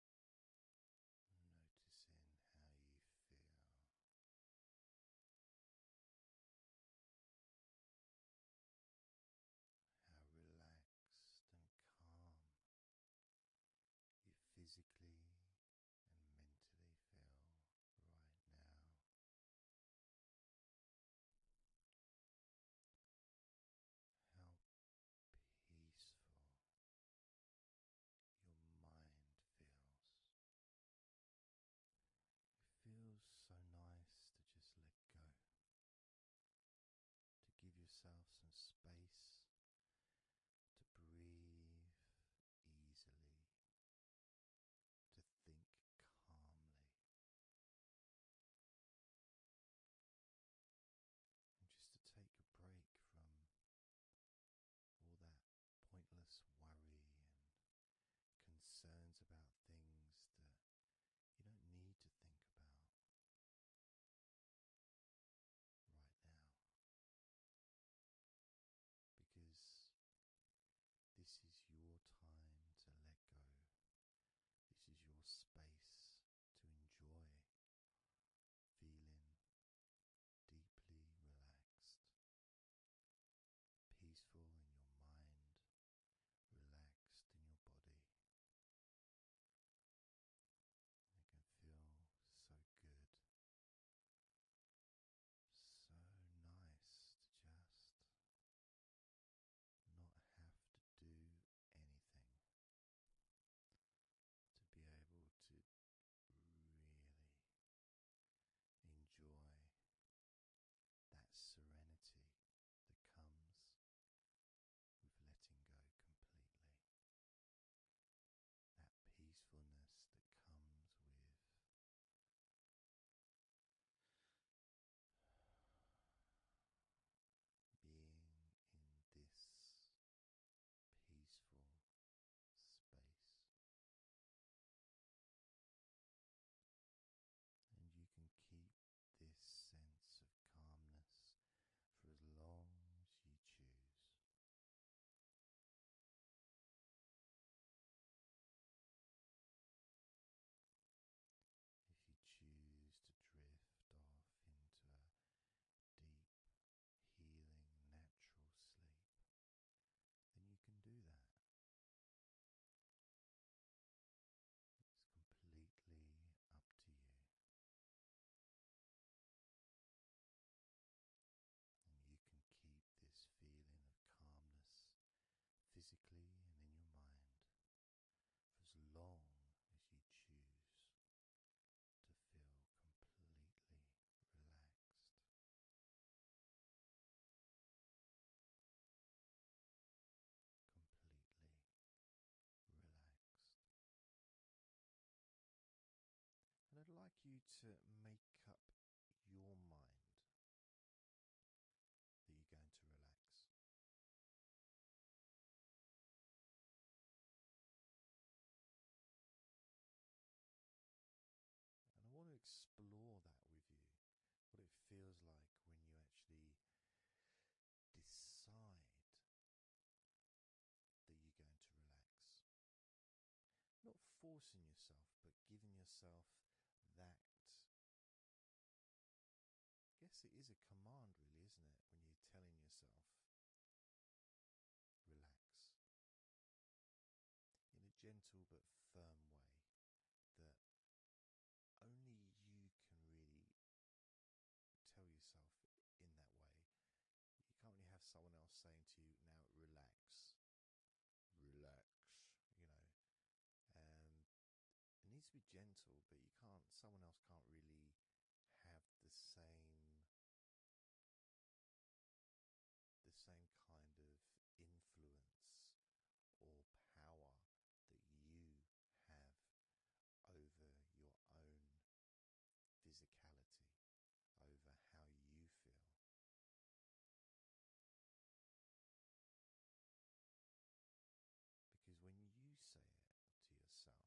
Noticing how you feel. How relaxed and calm you physically and mentally feel right now. How peaceful your mind feels. It feels so nice to just let go, to give yourself some space to breathe easily, to think calmly. And just to take a break from all that pointless worry and concerns about things that you don't need to think about right now. Because this is your time to let go. This is your space to enjoy feeling deeply relaxed, peaceful in your mind, relaxed in your body. It can feel so good. So nice to just not have to do anything to be able to really enjoy that serenity that comes with letting go completely. That peacefulness that comes with being in this peaceful space. And you can keep this sense of calmness for as long as you choose. If you choose to drift off into a deep, healing, natural sleep, then you can do that. It's completely up to you. And you can keep this feeling of calmness physically and in your mind for as long as you choose to feel completely relaxed. Completely relaxed. And I'd like you to make up your mind that you're going to relax. And I want to explore that with you what it feels like when you actually decide that you're going to relax. Not forcing yourself, but giving yourself that. I guess it is a command, really, isn't it? When you're telling yourself, relax in a gentle but firm way that only you can really tell yourself in that way. You can't really have someone else saying to you, now relax, relax, you know. Um, it needs to be gentle, but you can't, someone else can't really have the same the same kind of influence or power that you have over your own physicality, over how you feel. Because when you say it to yourself,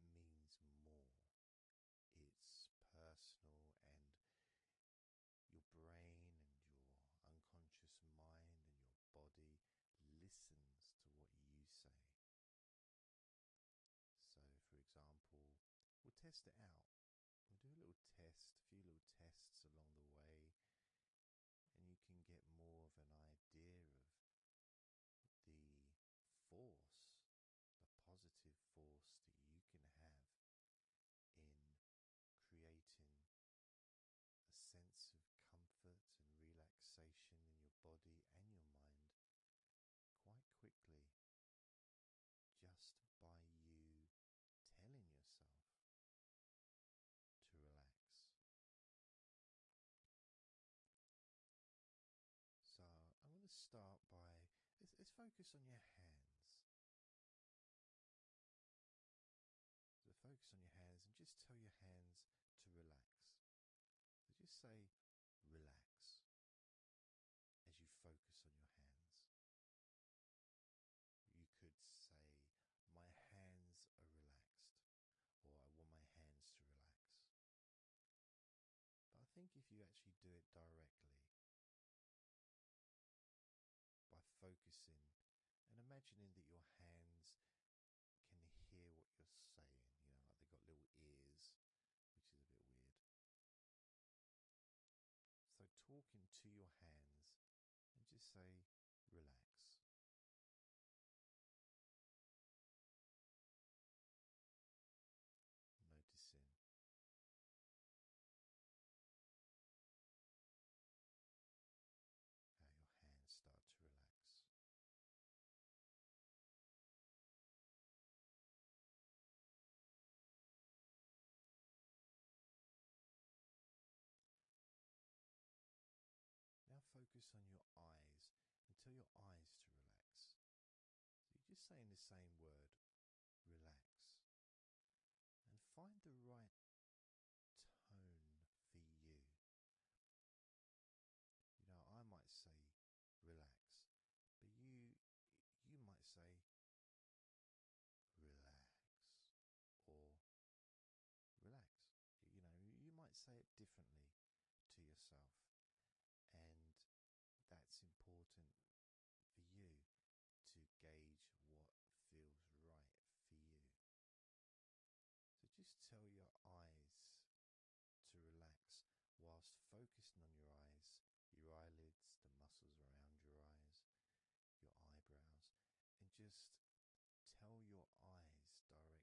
it means more it's personal and your brain and your unconscious mind and your body listens to what you say. So, for example, we'll test it out. We'll do a little test, a few little tests along the way, and you can get more of an idea of the force the positive force that you can have in creating a sense of comfort and relaxation in your body and your mind quite quickly just by you telling yourself to relax. So I'm going to start by let's, focus on your hands. So focus on your hands and just tell your hands to relax. So just say relax as you focus on your hands. You could say, My hands are relaxed, or I want my hands to relax. But I think if you actually do it directly by focusing and imagining that your hands can hear what you're saying, you know, like they've got little ears, which is a bit weird. So, talk into your hands and just say, relax noticing how your hands start to relax. Now focus on your eyes and tell your eyes to relax. So you're just saying the same word, relax, and find the right tone for you. You know, I might say relax, but you you might say relax or relax. You know, you might say it differently to yourself and that's important for you to gauge what feels right for you. So just tell your eyes to relax whilst focusing on your eyes, your eyelids, the muscles around your eyes, your eyebrows, and just tell your eyes directly relax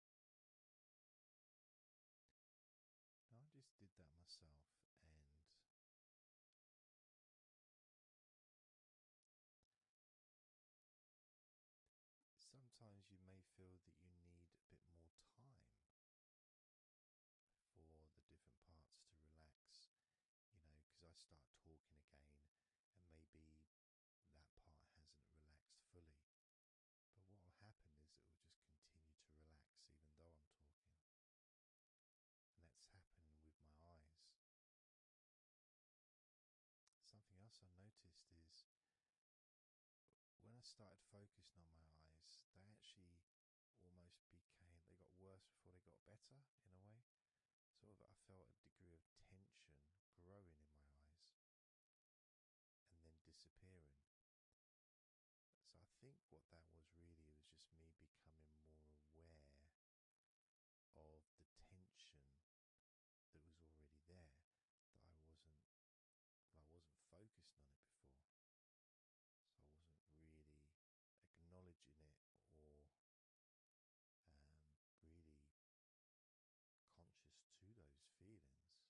I just did that myself, and sometimes you may feel that you need a bit more time for the different parts to relax, you know, because I start talking again, and maybe that part hasn't relaxed fully. But what will happen is it will just continue to relax even though I'm talking. And that's happened with my eyes. Something else I noticed is when I started focusing on my eyes, they actually almost became, they got worse before they got better in a way. Sort of, I felt a degree of tension growing in my eyes and then disappearing. So I think what that was really was just me becoming more aware of the tension that was already there that I wasn't I wasn't focusing on it before. So I wasn't really acknowledging it or um, really conscious to those feelings.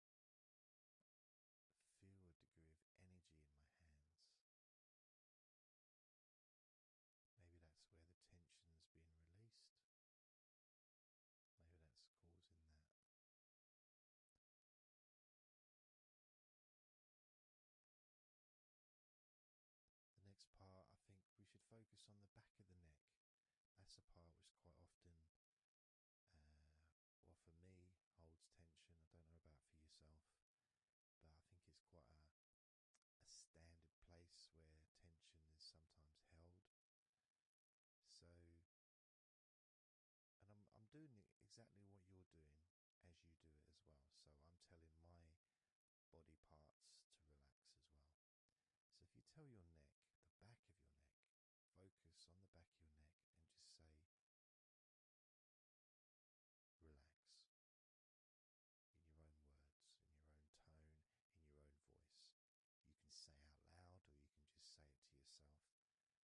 feel a degree of energy in my hands. Maybe that's where the tension's been released. Maybe that's causing that. The next part, I think we should focus on the back of the neck. That's a part which quite often uh, what for me holds tension. I don't know about for yourself, but I think it's quite a, a standard place where tension is sometimes held. So, and I'm I'm doing exactly what you're doing as you do it as well. So I'm telling my body parts to relax as well. So if you tell your neck, the back of your neck, focus on the back of your neck and just say, relax in your own words, in your own tone, in your own voice. You can say out loud or you can just say it to yourself internally.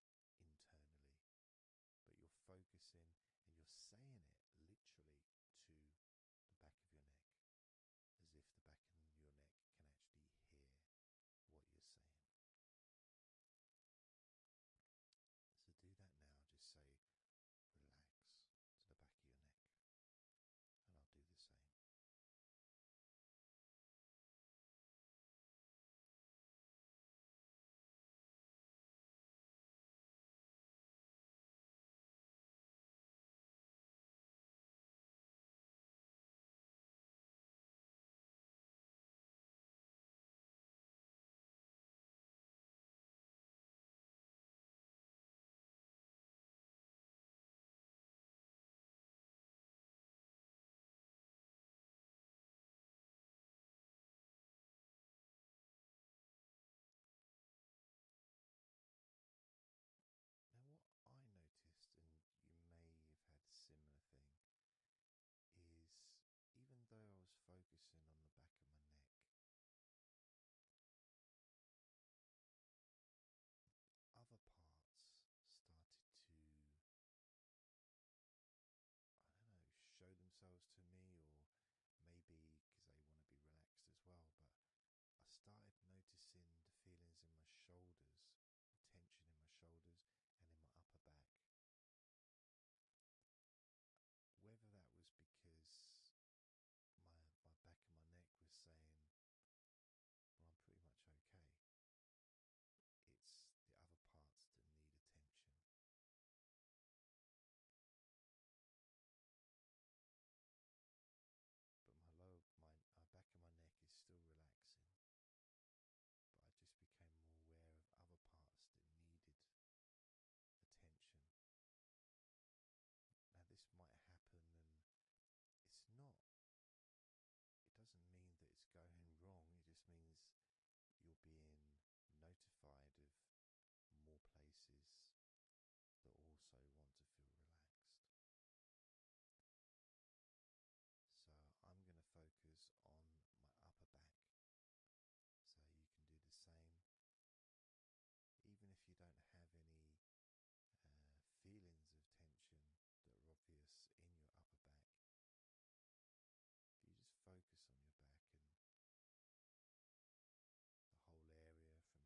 But you're focusing and you're saying it literally to the back of your neck, as if the back of your neck can actually hear what you're saying. So do that now, just say relax to the back of your neck, and I'll do the same. Now, what I noticed, and you may have had similar thing, is even though I was focusing on the back of my neck, other parts started to, I don't know, show themselves to me, or maybe because they want to be relaxed as well. But I started noticing the feelings in my shoulders, tension in my shoulders, and in my upper back. Whether that was because my back and my neck was saying, "Well, I'm pretty much okay." It's the other parts that need attention. But my lower, my, uh, back and my neck is still relaxing but I just became more aware of other parts that needed attention. Now, this might happen, and it's not, it doesn't mean that it's going wrong, it just means you're being notified of more places that also want to feel relaxed. So, I'm going to focus on my upper back so you can do the same. Even if you don't have any uh, feelings of tension that are obvious in your upper back, you just focus on your back and the whole area from your shoulder blades down to the middle of your back,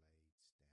down your spine,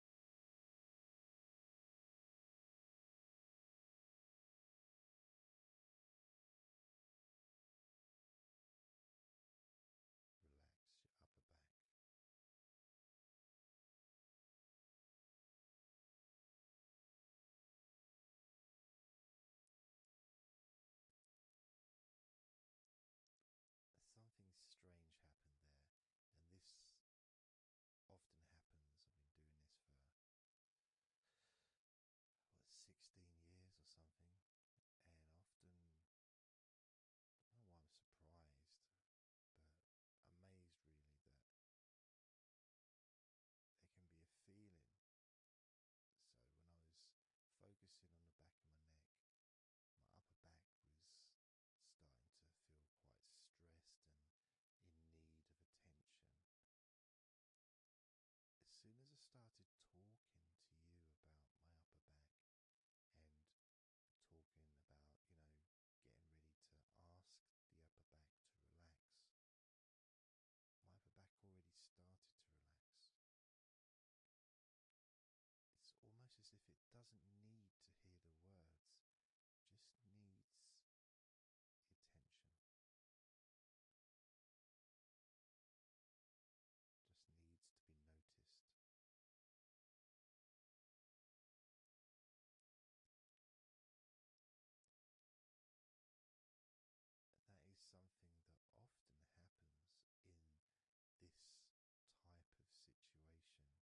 Relax your upper back. Something strange happened there, and this often happens. I've been doing this for what, 16 years or something, and often I don't know why I'm surprised, but amazed really that there can be a feeling. So when I was focusing on the back of my neck, my upper back was starting to feel quite stressed and in need of attention. As soon as I started talking to you about my upper back and talking about, you know, getting ready to ask the upper back to relax, my upper back already started to relax. It's almost as if it doesn't need to hear the words, just needs attention, just needs to be noticed. That is something that often happens in this type of situation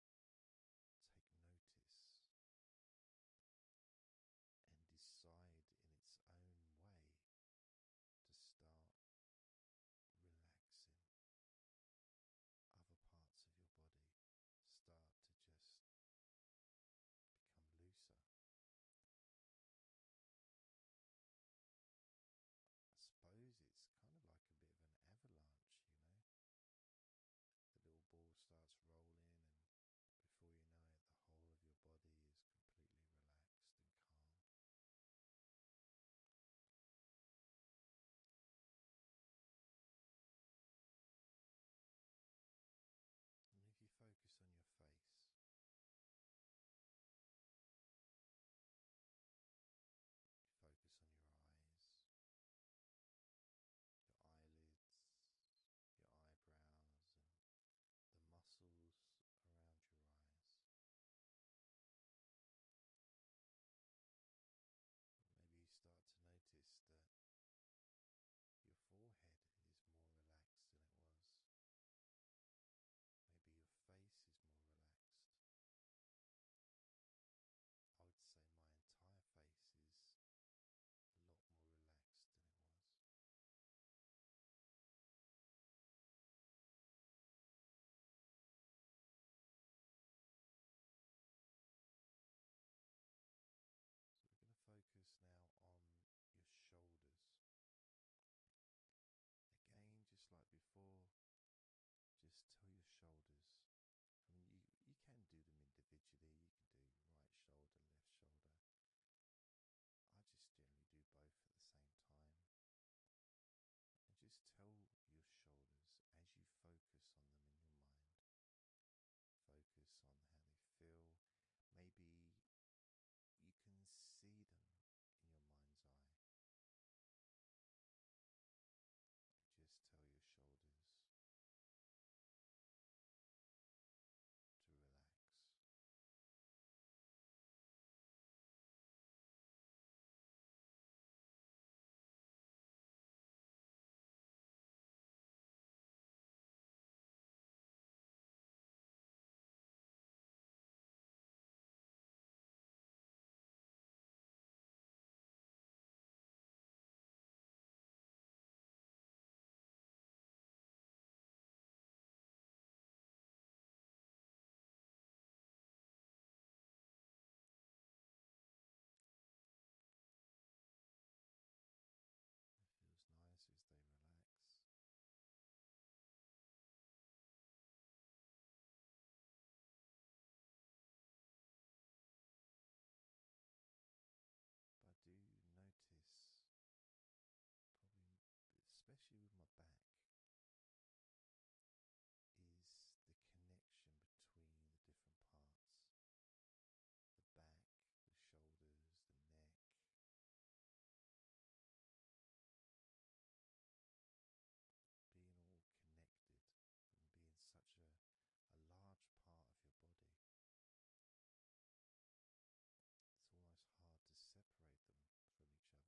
take notice and decide in its own way to start relaxing other parts of your body start to just become looser i suppose it's kind of like a bit of an avalanche you know the little ball starts rolling, and before you know it, the whole of your body is completely relaxed and calm. And if you focus on your face, focus on your eyes, your eyelids, your eyebrows, and the muscles around your eyes. Maybe you start to notice that your forehead is more relaxed than it was. Maybe your face is more relaxed. I would say my entire face is a lot more relaxed than it was. So we're going to focus now on your shoulders. Again, just like before, just tell your shoulders I mean, you, you can do them individually, you can do right shoulder, left shoulder. I just generally do both at the same time. And just tell your shoulders as you focus on them in your mind, focus on how they feel. Maybe you can see them in your mind's eye. Just tell your shoulders to relax. It feels nice as they relax. But do you notice, probably especially with my back, is the connection between the different parts the back, the shoulders, the neck. Being all connected and being such a, large part of your body. It's almost hard to separate them from each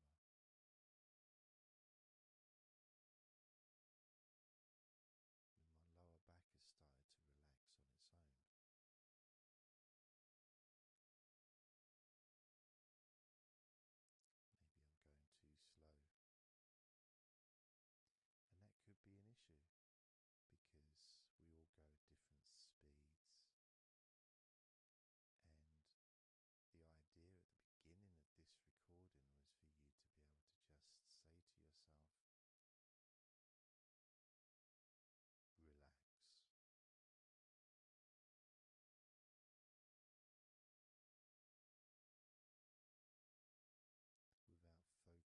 other. my lower back has started to relax on its own. Maybe I'm going too slow and that could be an issue because we all go at different speeds. And the idea at the beginning of this recording was for you to be able to just say to yourself, relax without focusing on any particular part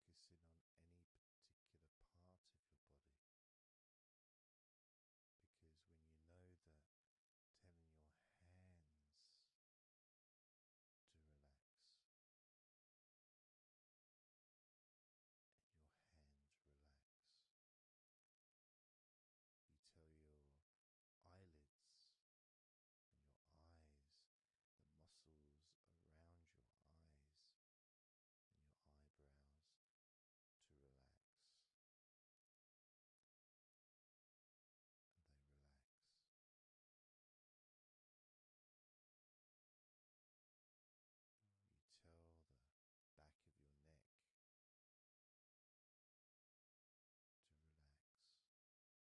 of your body. Because when you know that, telling your hands to relax, and your hands relax, you tell your eyelids and your eyes the muscles around your eyes and your eyebrows to relax. And they relax. You tell the back of your neck to relax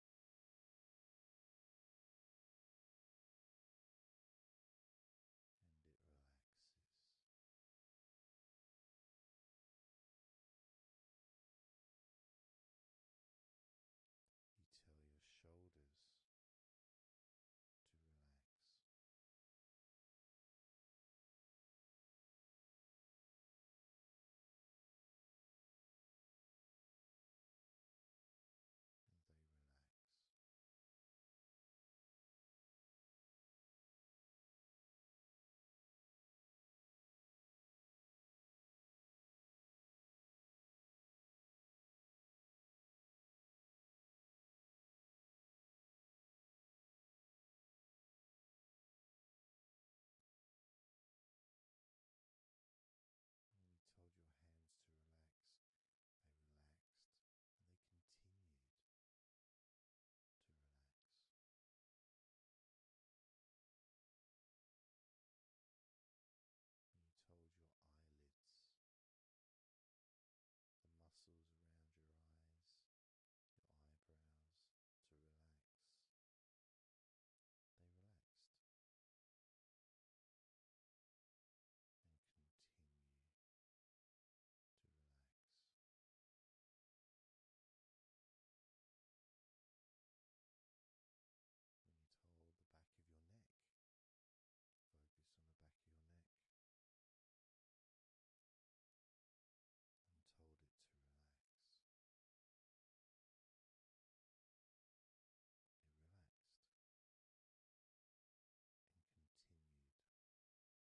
and it relaxes. You tell your shoulders to relax and they relax. When you told your hands to relax, they relaxed and they continued to relax. When you told your eyelids, the muscles around your eyes, your eyebrows to relax, they relaxed and continue to relax. When you hold the back of your neck, focus on the back of your neck and told it to relax relaxed and continued to relax. When you told your upper back to relax,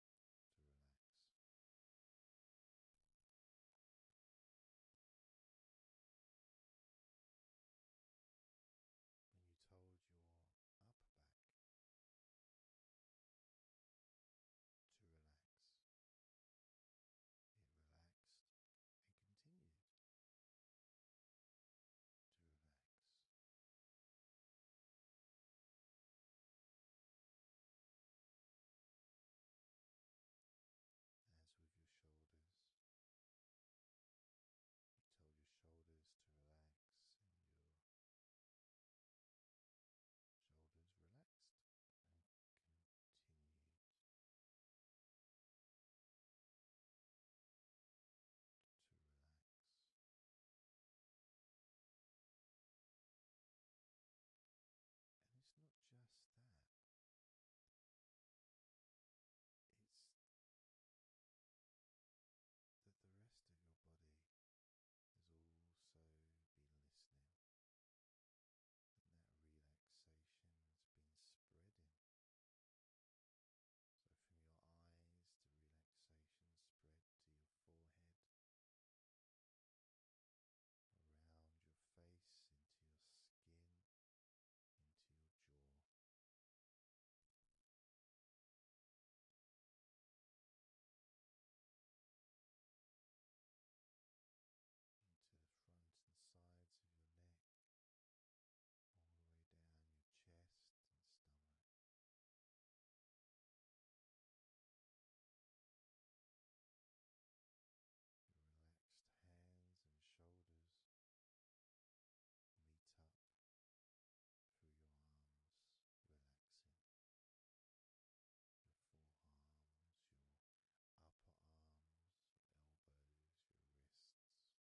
it relaxed and continued to relax. As with your shoulders, you tell your shoulders to relax, and your shoulders relaxed Continue to relax. And it's not just that, it's that the rest of your body has also been listening, and that relaxation has been spreading so, from your eyes, the relaxation spread to your forehead, around your face, into your skin, into your jaw. Into the front and sides of your neck, all the way down your chest and stomach. Your relaxed hands and shoulders meet up through your arms, relaxing your forearms, your upper arms, elbows, your wrists.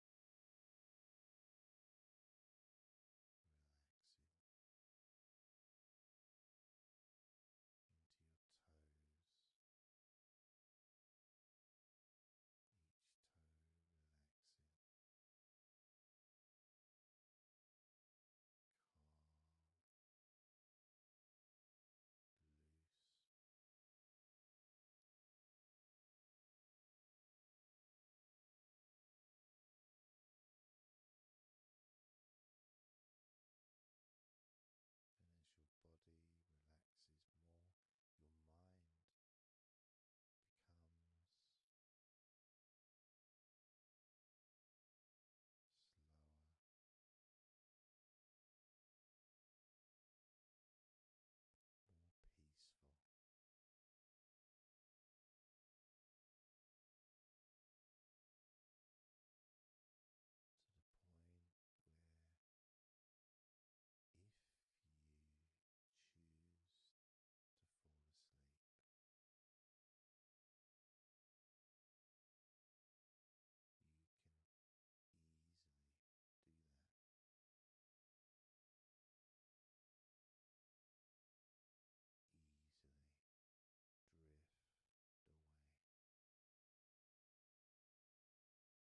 relaxing into your toes, each toe relaxing. Calm, loose, and as your body relaxes more, your mind becomes slower peaceful. To the point where, if you choose to fall asleep, you can easily do that easily drift away. Because there's nothing going on in your mind. The brain is peaceful.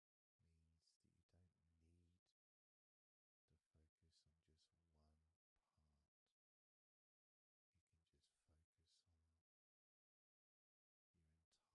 means that you don't need to focus on just one part. You can just focus on your entire body. Saying the powerful word relax.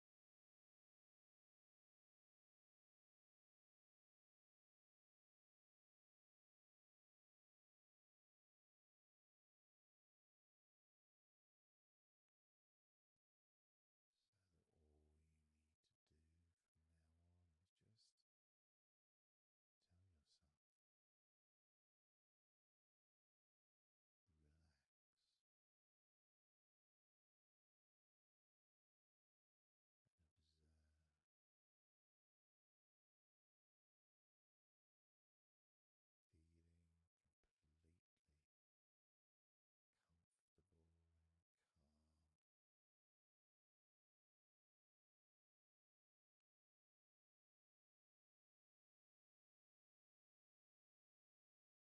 So that all you need to do from now on is just tell yourself, relax, and observe. Feeling completely comfortable and calm.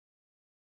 seventeen. Sixteen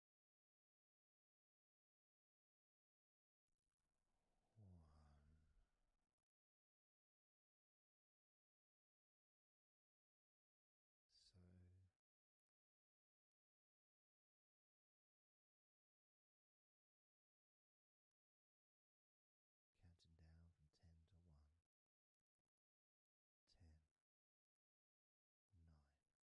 counting down from ten to one, ten, nine,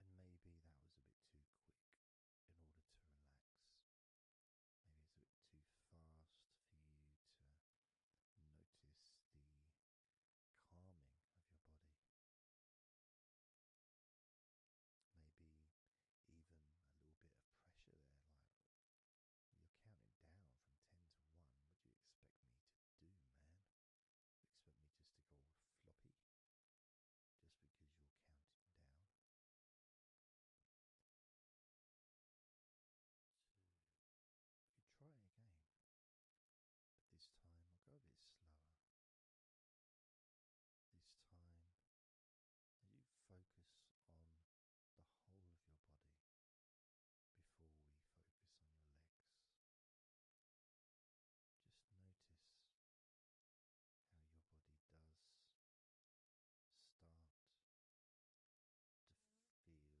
And maybe that was a bit too quick in order to relax. Maybe it's a bit too fast for you to notice the calming of your body. Maybe even a little bit of pressure there, like you're counting down from 10 to 1. What do you expect me to do, man? expect me just to go floppy just because you're counting down. try again, this time I'll go a bit slower. This time, as you focus on the whole of your body before we focus on your legs. Just notice how your body does start to feel more relaxed. With every number that I count down ten,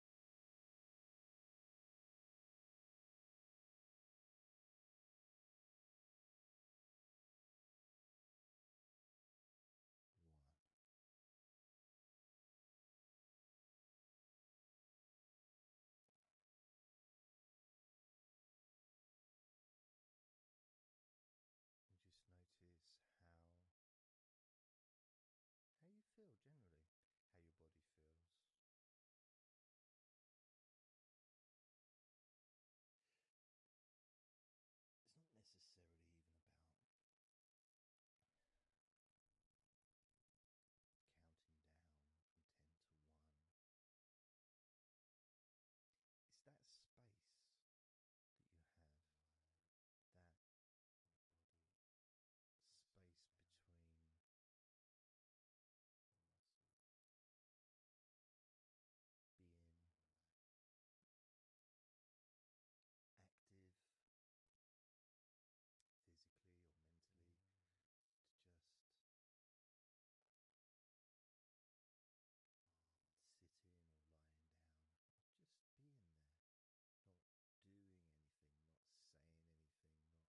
one just notice how how you feel generally how your body feels. It's not necessarily even about counting down from 10 to 1. It's that space that you have, that space between being active physically or mentally mm. to just um, sitting or lying down just being there not doing anything not saying anything not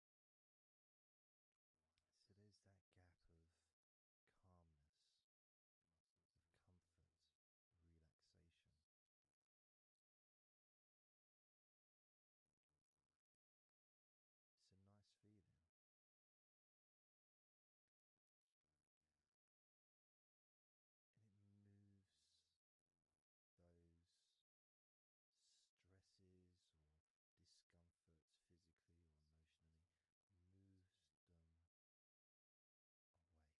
So there's that gap of calmness, comfort, relaxation. It's a nice feeling. And it moves those stresses or discomforts physically or emotionally moves them away. Allows you to just slow down.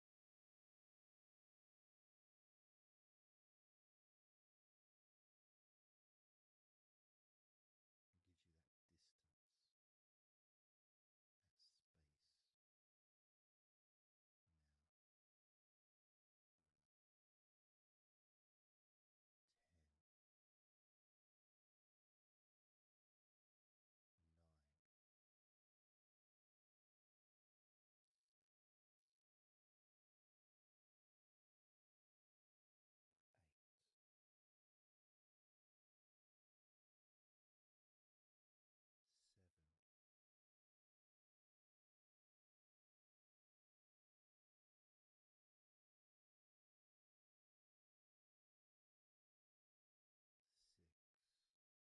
and gives you that distance, that space where ten, nine eight seven six